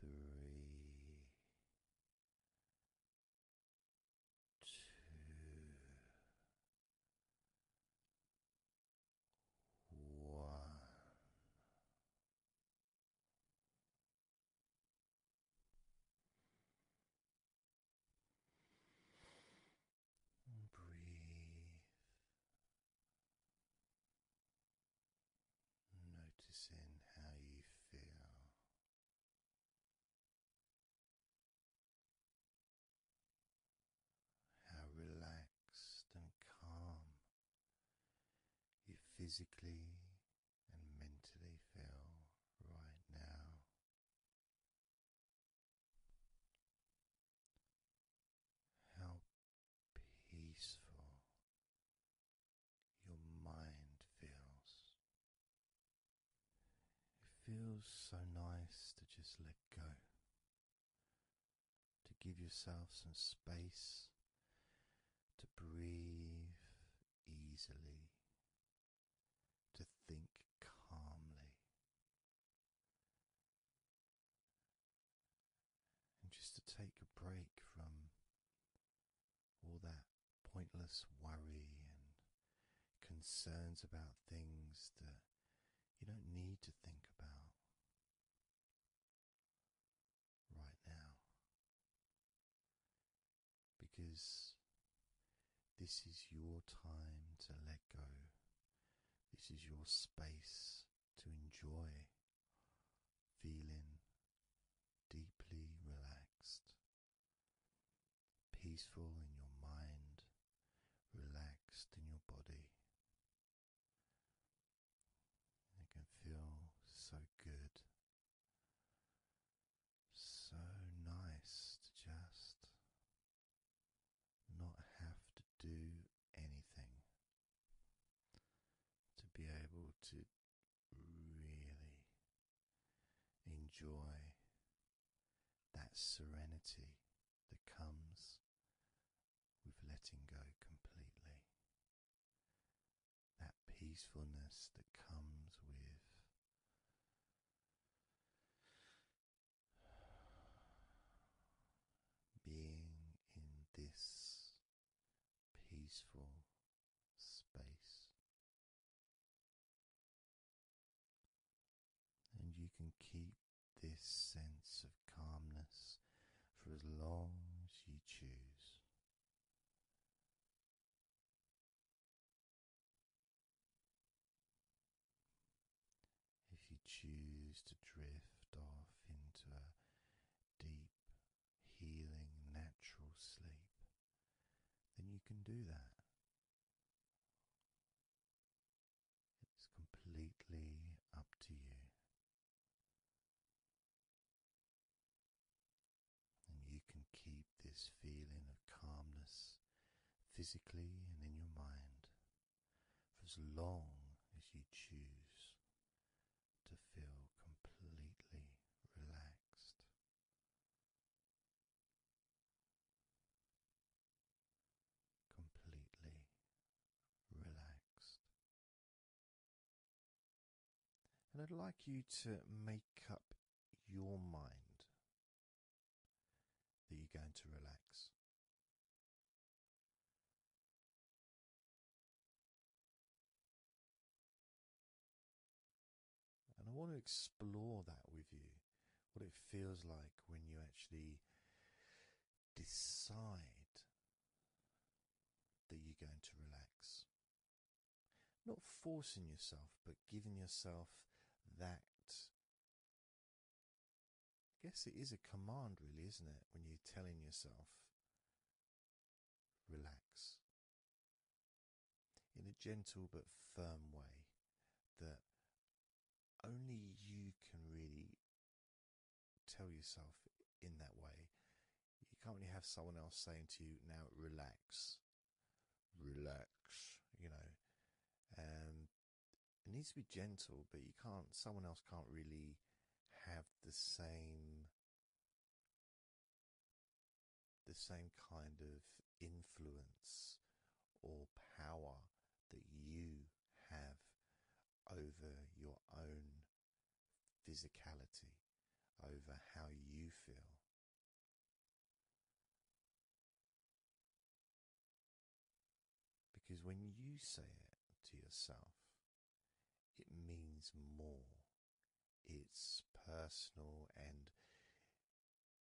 three. breathe Noticing how you feel. How relaxed and calm you physically and mentally feel right now. How peaceful your mind feels. It feels so nice to just let go, to give yourself some space to breathe easily, to think calmly. And just to take a break from all that pointless worry and concerns about things that you don't need to think about right now. Because this is your time to let go. This is your space to enjoy feeling deeply relaxed, peaceful in your mind, relaxed in your body. It can feel so good, so nice to just not have to do anything to be able to really enjoy that serenity that comes with letting go completely, that peacefulness that comes with. Being in this peaceful space. And you can keep this sense of calmness for as long as you choose. If you choose to drift off into a deep healing natural sleep, then you can do that. It's completely up to you. And you can keep this feeling of calmness physically and in your mind for as long as you choose to feel completely relaxed. Completely relaxed. And I'd like you to make up your mind that you're going to relax. And I want to explore that with you what it feels like when you actually decide that you're going to relax. Not forcing yourself, but giving yourself that. I guess it is a command, really, isn't it? When you're telling yourself relax in a gentle but firm way that only you can really tell yourself in that way. You can't really have someone else saying to you, now relax, relax, you know. Um, it needs to be gentle, but you can't, someone else can't really have the same the same kind of influence or power that you have over your own physicality, over how you feel. Because when you say it to yourself, it means more it's personal, and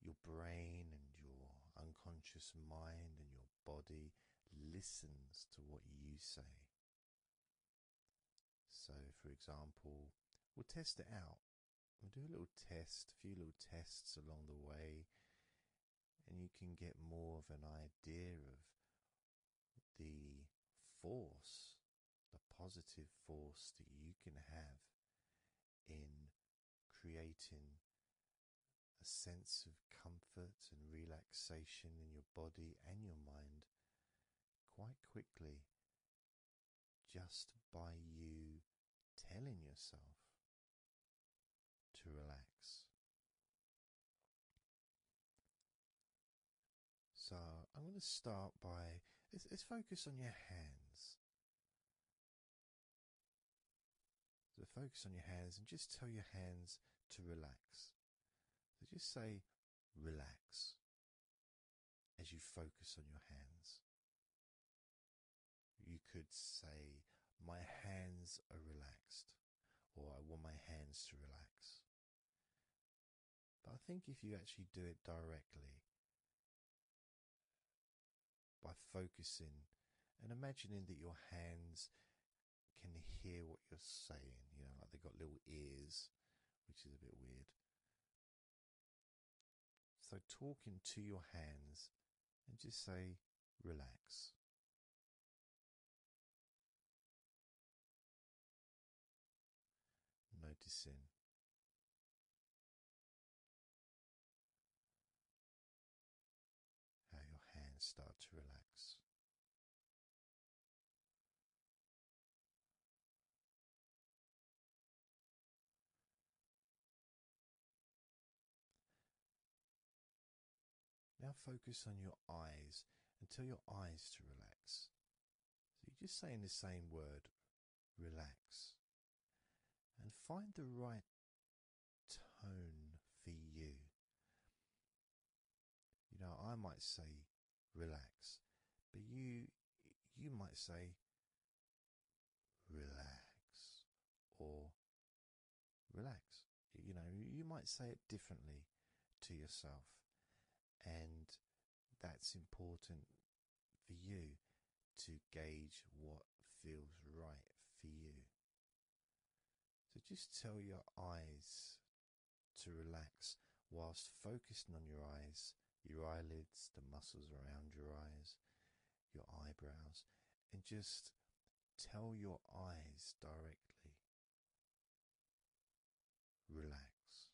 your brain and your unconscious mind and your body listens to what you say. So, for example, we'll test it out. We'll do a little test, a few little tests along the way, and you can get more of an idea of the force, the positive force that you can have in creating a sense of comfort and relaxation in your body and your mind quite quickly just by you telling yourself to relax. So I'm going to start by let's, focus on your hands. So focus on your hands and just tell your hands to relax. So just say relax as you focus on your hands. You could say, My hands are relaxed, or I want my hands to relax. But I think if you actually do it directly by focusing and imagining that your hands can hear what you're saying, you know, like they've got little ears, which is a bit weird. So, talk into your hands and just say, relax noticing how your hands start to relax. Now focus on your eyes and tell your eyes to relax. So you're just saying the same word, relax, and find the right tone for you. You know, I might say relax, but you you might say relax or relax. You know, you might say it differently to yourself, and that's important for you to gauge what feels right for you. So just tell your eyes to relax whilst focusing on your eyes, your eyelids, the muscles around your eyes, your eyebrows, and just tell your eyes directly relax,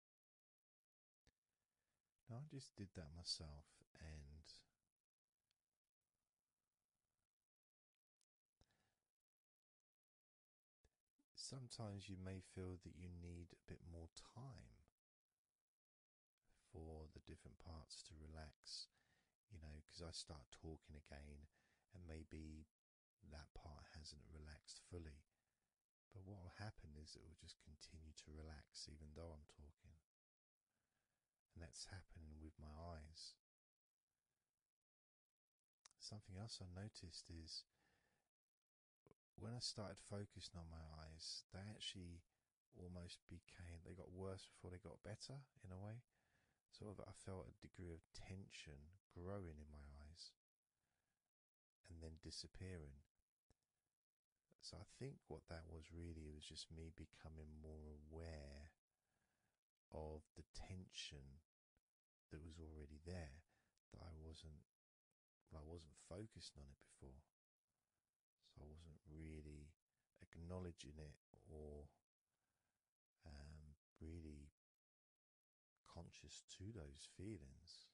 Now I just did that myself, and sometimes you may feel that you need a bit more time for the different parts to relax, you know, because I start talking again, and maybe that part hasn't relaxed fully. But what will happen is it will just continue to relax even though I'm talking. And that's happening with my eyes. Something else I noticed is when I started focusing on my eyes, they actually almost became, they got worse before they got better in a way. Sort of, I felt a degree of tension growing in my eyes and then disappearing. So I think what that was really was just me becoming more aware of the tension that was already there that I wasn't I wasn't focusing on it before. So I wasn't really acknowledging it or um, really conscious to those feelings.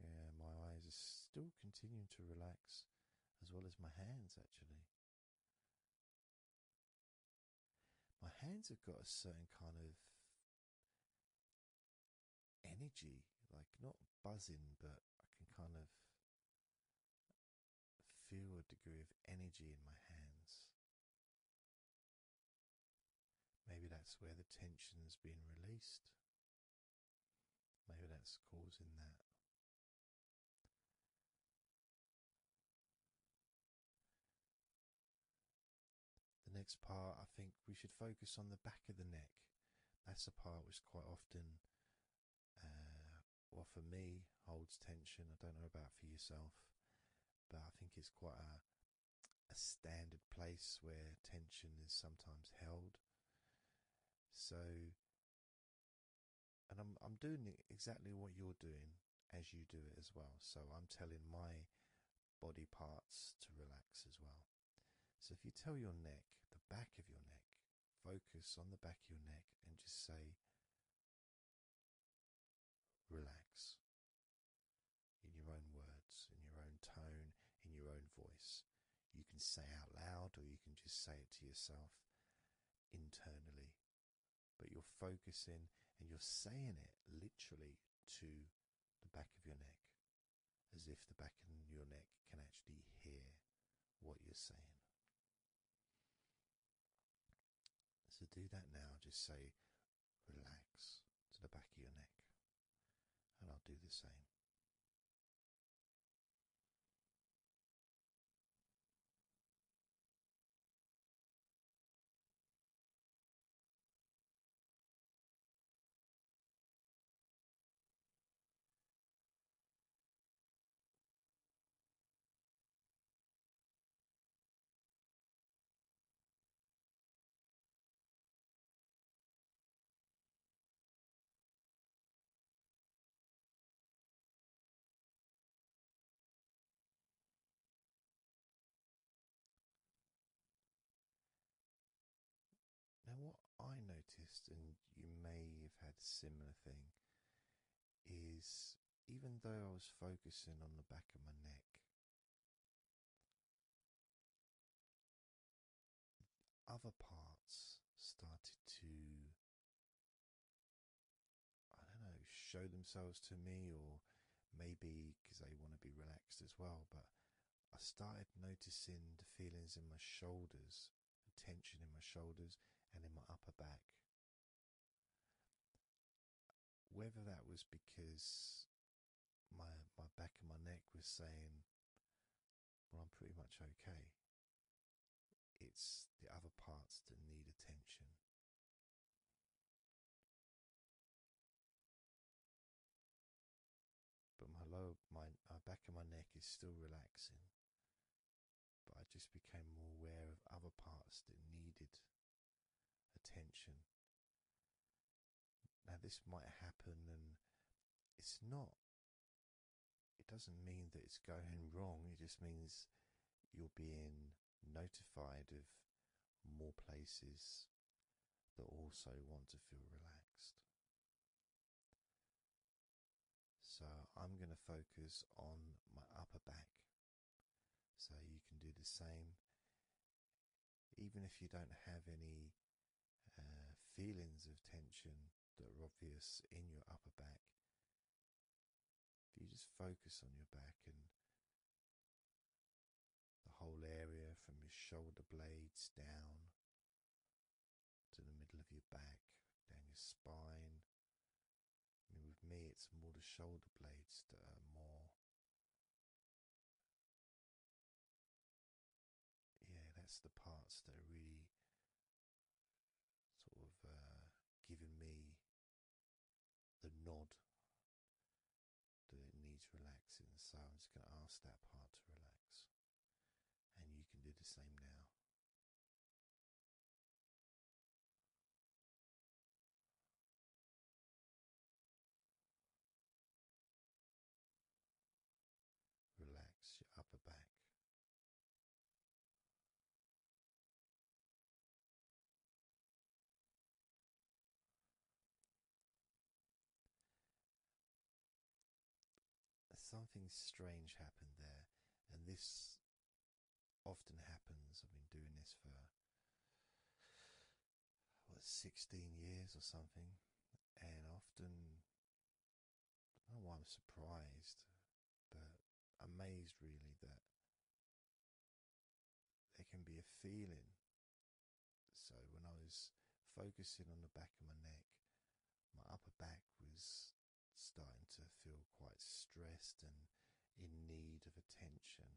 Yeah, my eyes are still continuing to relax, as well as my hands actually. My hands have got a certain kind of energy, like not buzzing, but I can kind of feel a degree of energy in my hands. Maybe that's where the tension's been released. Maybe that's causing that. The next part, I think we should focus on the back of the neck. That's the part which quite often uh, well, for me, holds tension. I don't know about for yourself, but I think it's quite a a standard place where tension is sometimes held. So, and I'm I'm doing exactly what you're doing as you do it as well. So I'm telling my body parts to relax as well. So if you tell your neck, the back of your neck, Focus on the back of your neck and just say, relax. In your own words, in your own tone, in your own voice. You can say out loud or you can just say it to yourself internally. But you're focusing and you're saying it literally to the back of your neck, as if the back of your neck can actually hear what you're saying. So do that now, just say relax to the back of your neck, and I'll do the same. Now, what I noticed, and you may have had a similar thing, is even though I was focusing on the back of my neck, other parts started to, I don't know, show themselves to me, or maybe because they want to be relaxed as well, but I started noticing the feelings in my shoulders tension in my shoulders and in my upper back. Whether that was because my my back and my neck was saying, "Well, I'm pretty much okay." It's the other parts that need attention. But my low, my, back and my neck is still relaxing, but I just became more aware of other parts that needed attention. Now, this might happen, and it's not, it doesn't mean that it's going wrong, it just means you're being notified of more places that also want to feel relaxed. So I'm going to focus on my upper back. So you can do the same, even if you don't have any uh, feelings of tension that are obvious in your upper back. If you just focus on your back and the whole area from your shoulder blades down to the middle of your back, down your spine. I mean, with me, it's more the shoulder blades that are more. Yeah, that's the parts that are really sort of uh, giving me the nod that it needs relaxing. So I'm just going to ask that part to relax. And you can do the same now. Relax your upper back something strange happened there, and this often happens. I've been doing this for what 16 years or something, and often not why I'm surprised, but amazed really that there can be a feeling. So when I was focusing on the back of my neck, my upper back was starting to feel quite stressed and in need of attention.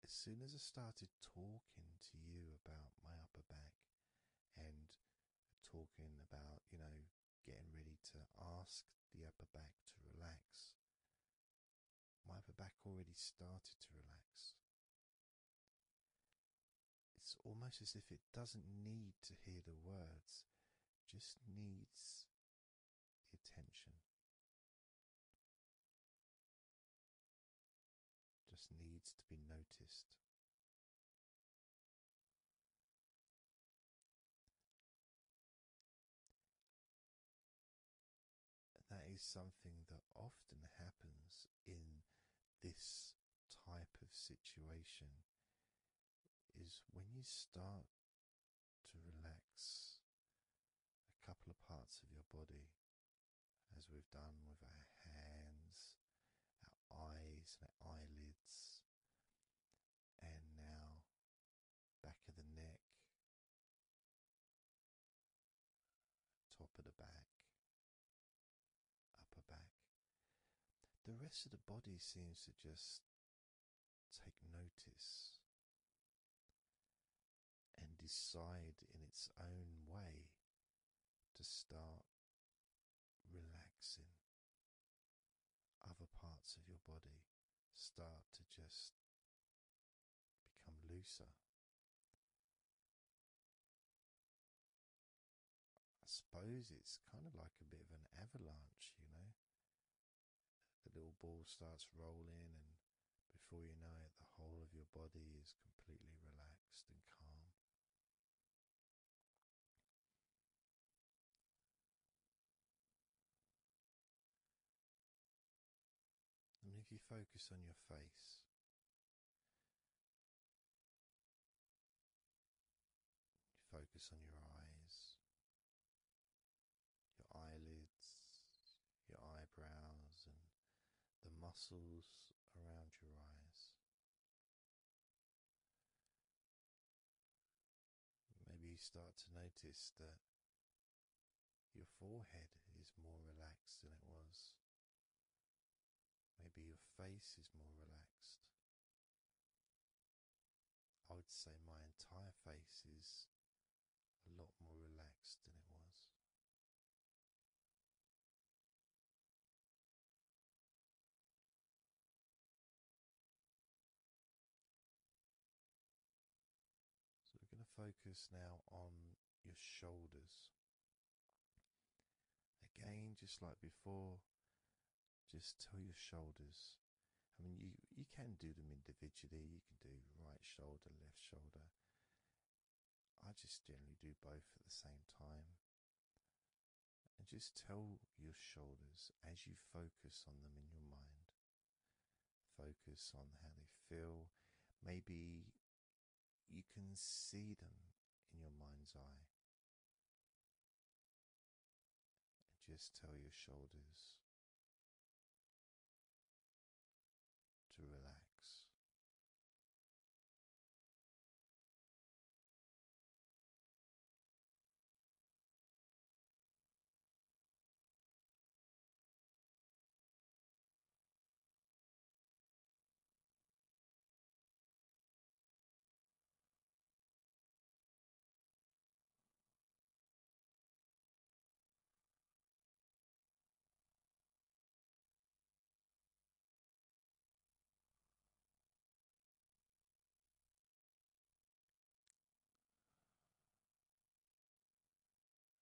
As soon as I started talking to you about my upper back and talking about, you know, getting ready to ask the upper back to relax, my upper back already started to relax it's almost as if it doesn't need to hear the words, just needs the attention. Just needs to be noticed. That is something that often happens in this type of situation is when you start to relax a couple of parts of your body, as we've done with our hands, our eyes, and our eyelids, and now back of the neck, top of the back, upper back. The rest of the body seems to just take notice and decide in its own way to start relaxing. Other parts of your body start to just become looser. I suppose it's kind of like a bit of an avalanche, you know. The little ball starts rolling, and before you know it, the whole of your body is completely relaxed and calm. And if you focus on your face, Focus on your eyes, your eyelids, your eyebrows, and the muscles around your eyes. Maybe you start to notice that your forehead is more relaxed than it was. Maybe your face is more relaxed. I would say my entire face is a lot more relaxed than it was. So we're going to focus now on your shoulders. Again, just like before, just tell your shoulders. I mean, you you can do them individually. You can do right shoulder, left shoulder. I just generally do both at the same time. And just tell your shoulders as you focus on them in your mind. Focus on how they feel. Maybe you can see them in your mind's eye just tell your shoulders to relax.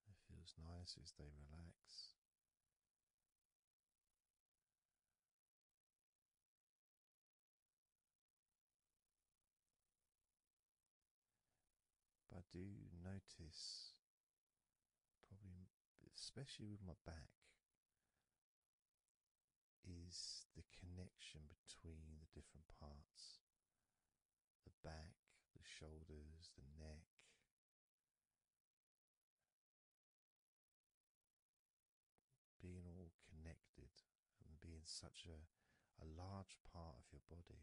It feels nice as they relax. But I do notice, probably especially with my back, is the connection between the different parts the back, the shoulders, the neck being all connected and being such a, a large part of your body.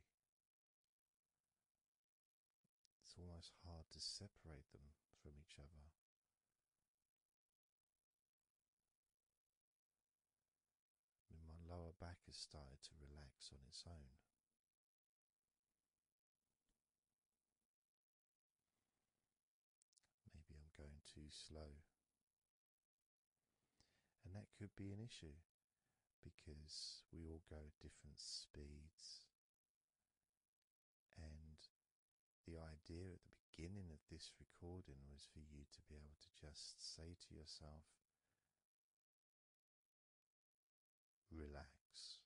It's almost hard to separate them from each other. my lower back has started to relax on its own. Maybe I'm going too slow. And that could be an issue because we all go at different speeds. And the idea at the beginning of this recording was for you to be able to just say to yourself, relax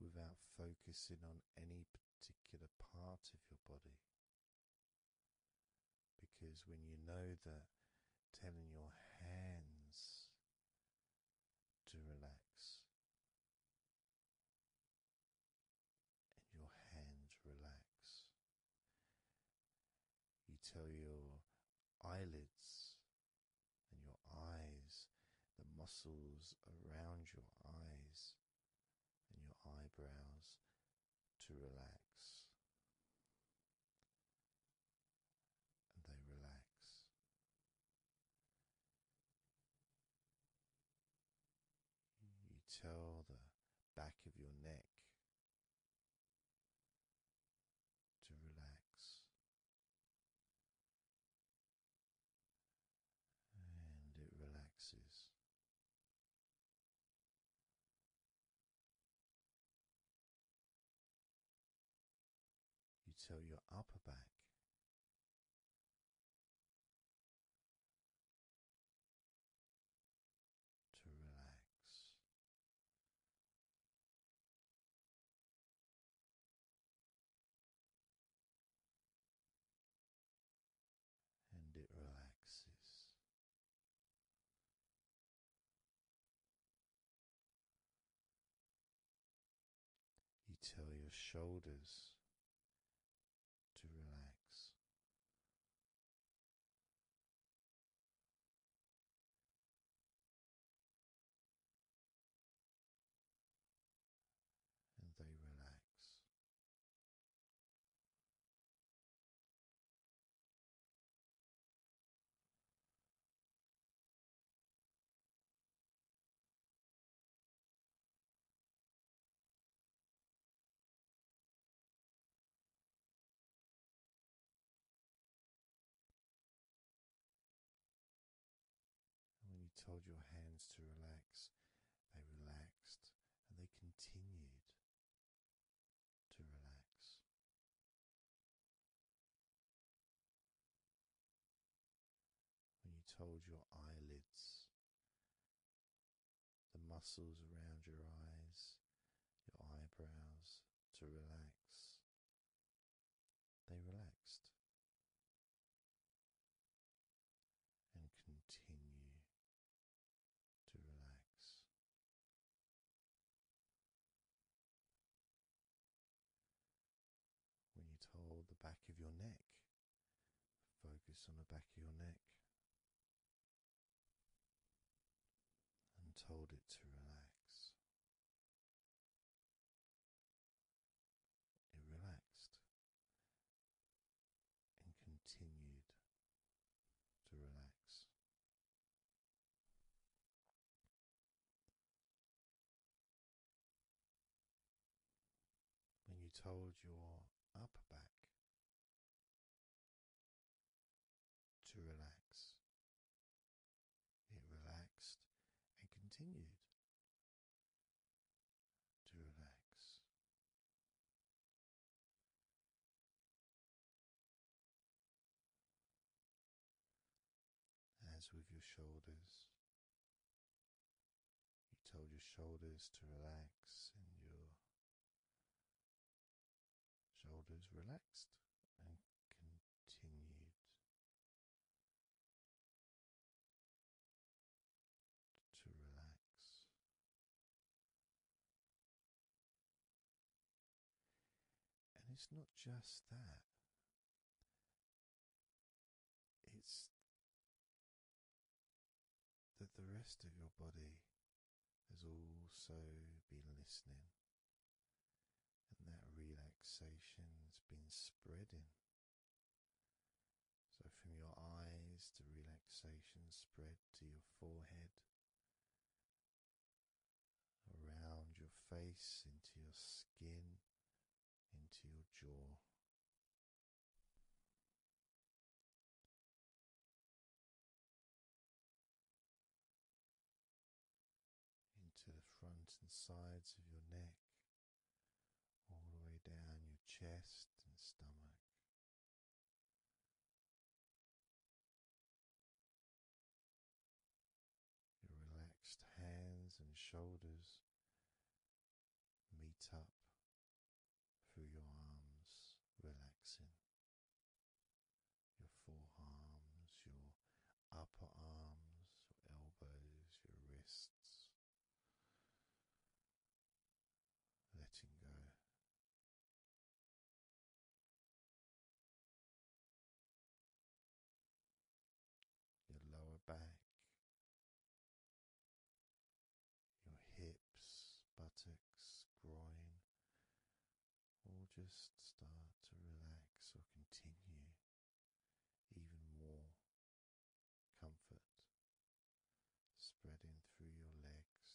without focusing on any particular part of your body. Because when you know that telling your hands to relax, and your hands relax, you tell your eyelids and your eyes, the muscles around your eyes and your eyebrows to relax. And they relax. You tell the back of your neck to relax and it relaxes. You tell your upper back to relax and it relaxes. You tell your shoulders to relax and they relax when you told your hands to relax, they relaxed and they continued to relax. When you told your eyelids, the muscles around your eyes, your eyebrows to relax, they relaxed and continue to relax. When you hold the back of your neck, focus on the back of your neck and told it to relax and relaxed and continued to relax. When you told your upper back to relax, it relaxed and continued to relax. As with your shoulders, you told your shoulders to relax, and your shoulders relaxed and continued to relax. And it's not just that, it's that the rest of your body has also been listening and that relaxation's been spreading. So, from your eyes, the relaxation spread to your forehead, around your face, into your skin, into your jaw into the front and sides of your neck, all the way down your chest and stomach. Your relaxed hands and shoulders meet up through your arms, relaxing your forearms, your upper arms, your elbows, your wrists, letting go. Your lower back, your hips, buttocks, groin, all just start to relax or continue even more comfort spreading through your legs.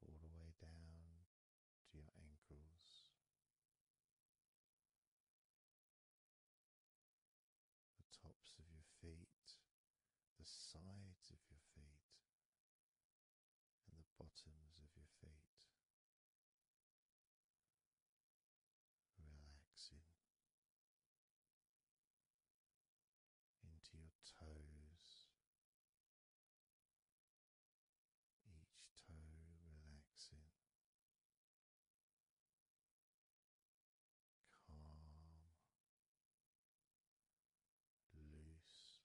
All the way down to your ankles. The tops of your feet, the sides of your feet, and the bottoms of your feet. Relaxing into your toes, each toe relaxing, calm, loose,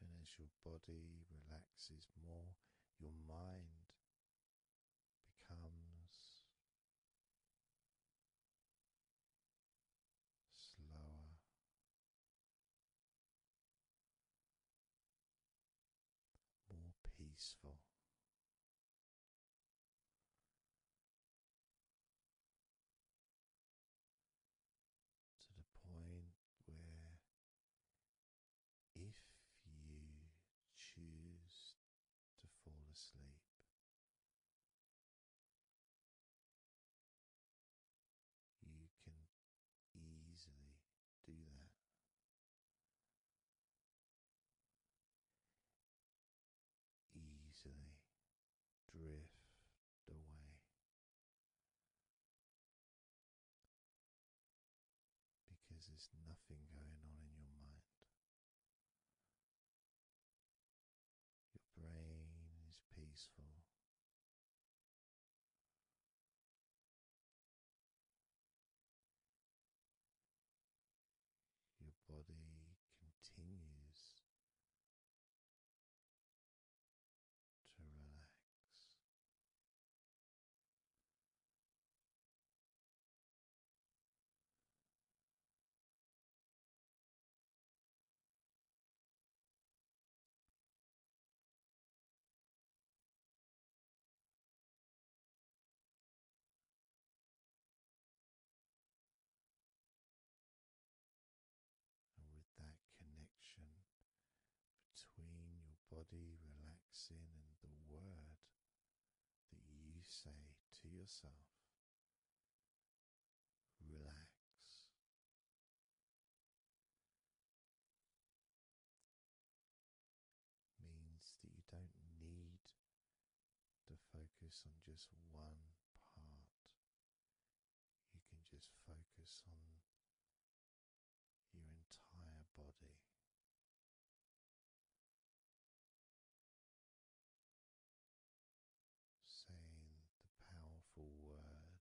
and as your body relaxes more, your mind becomes slower more peaceful. To the point where, if you choose to fall asleep, you can easily do that easily drift away because there's nothing going on in your mind. Your brain is peaceful. Your body continues to relax. And with that connection between your body relaxing and the word that you say to yourself, relax means that you don't need to focus on just one part. You can just focus on your entire body. Saying the powerful word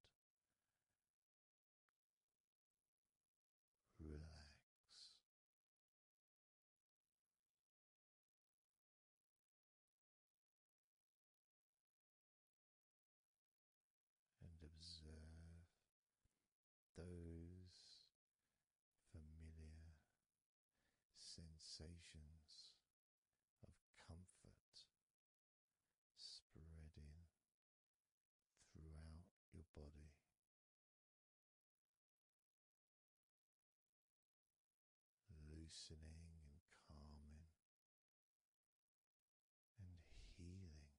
relax. And observe those familiar sensations of comfort spreading throughout your body. Loosening and calming and healing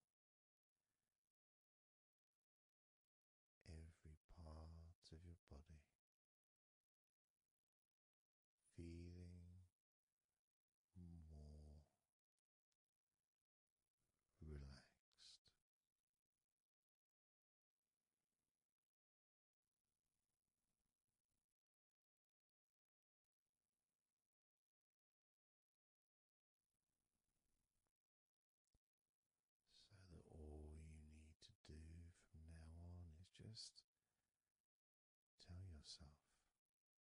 every part of your body, feeling more relaxed. So that all you need to do from now on is just tell yourself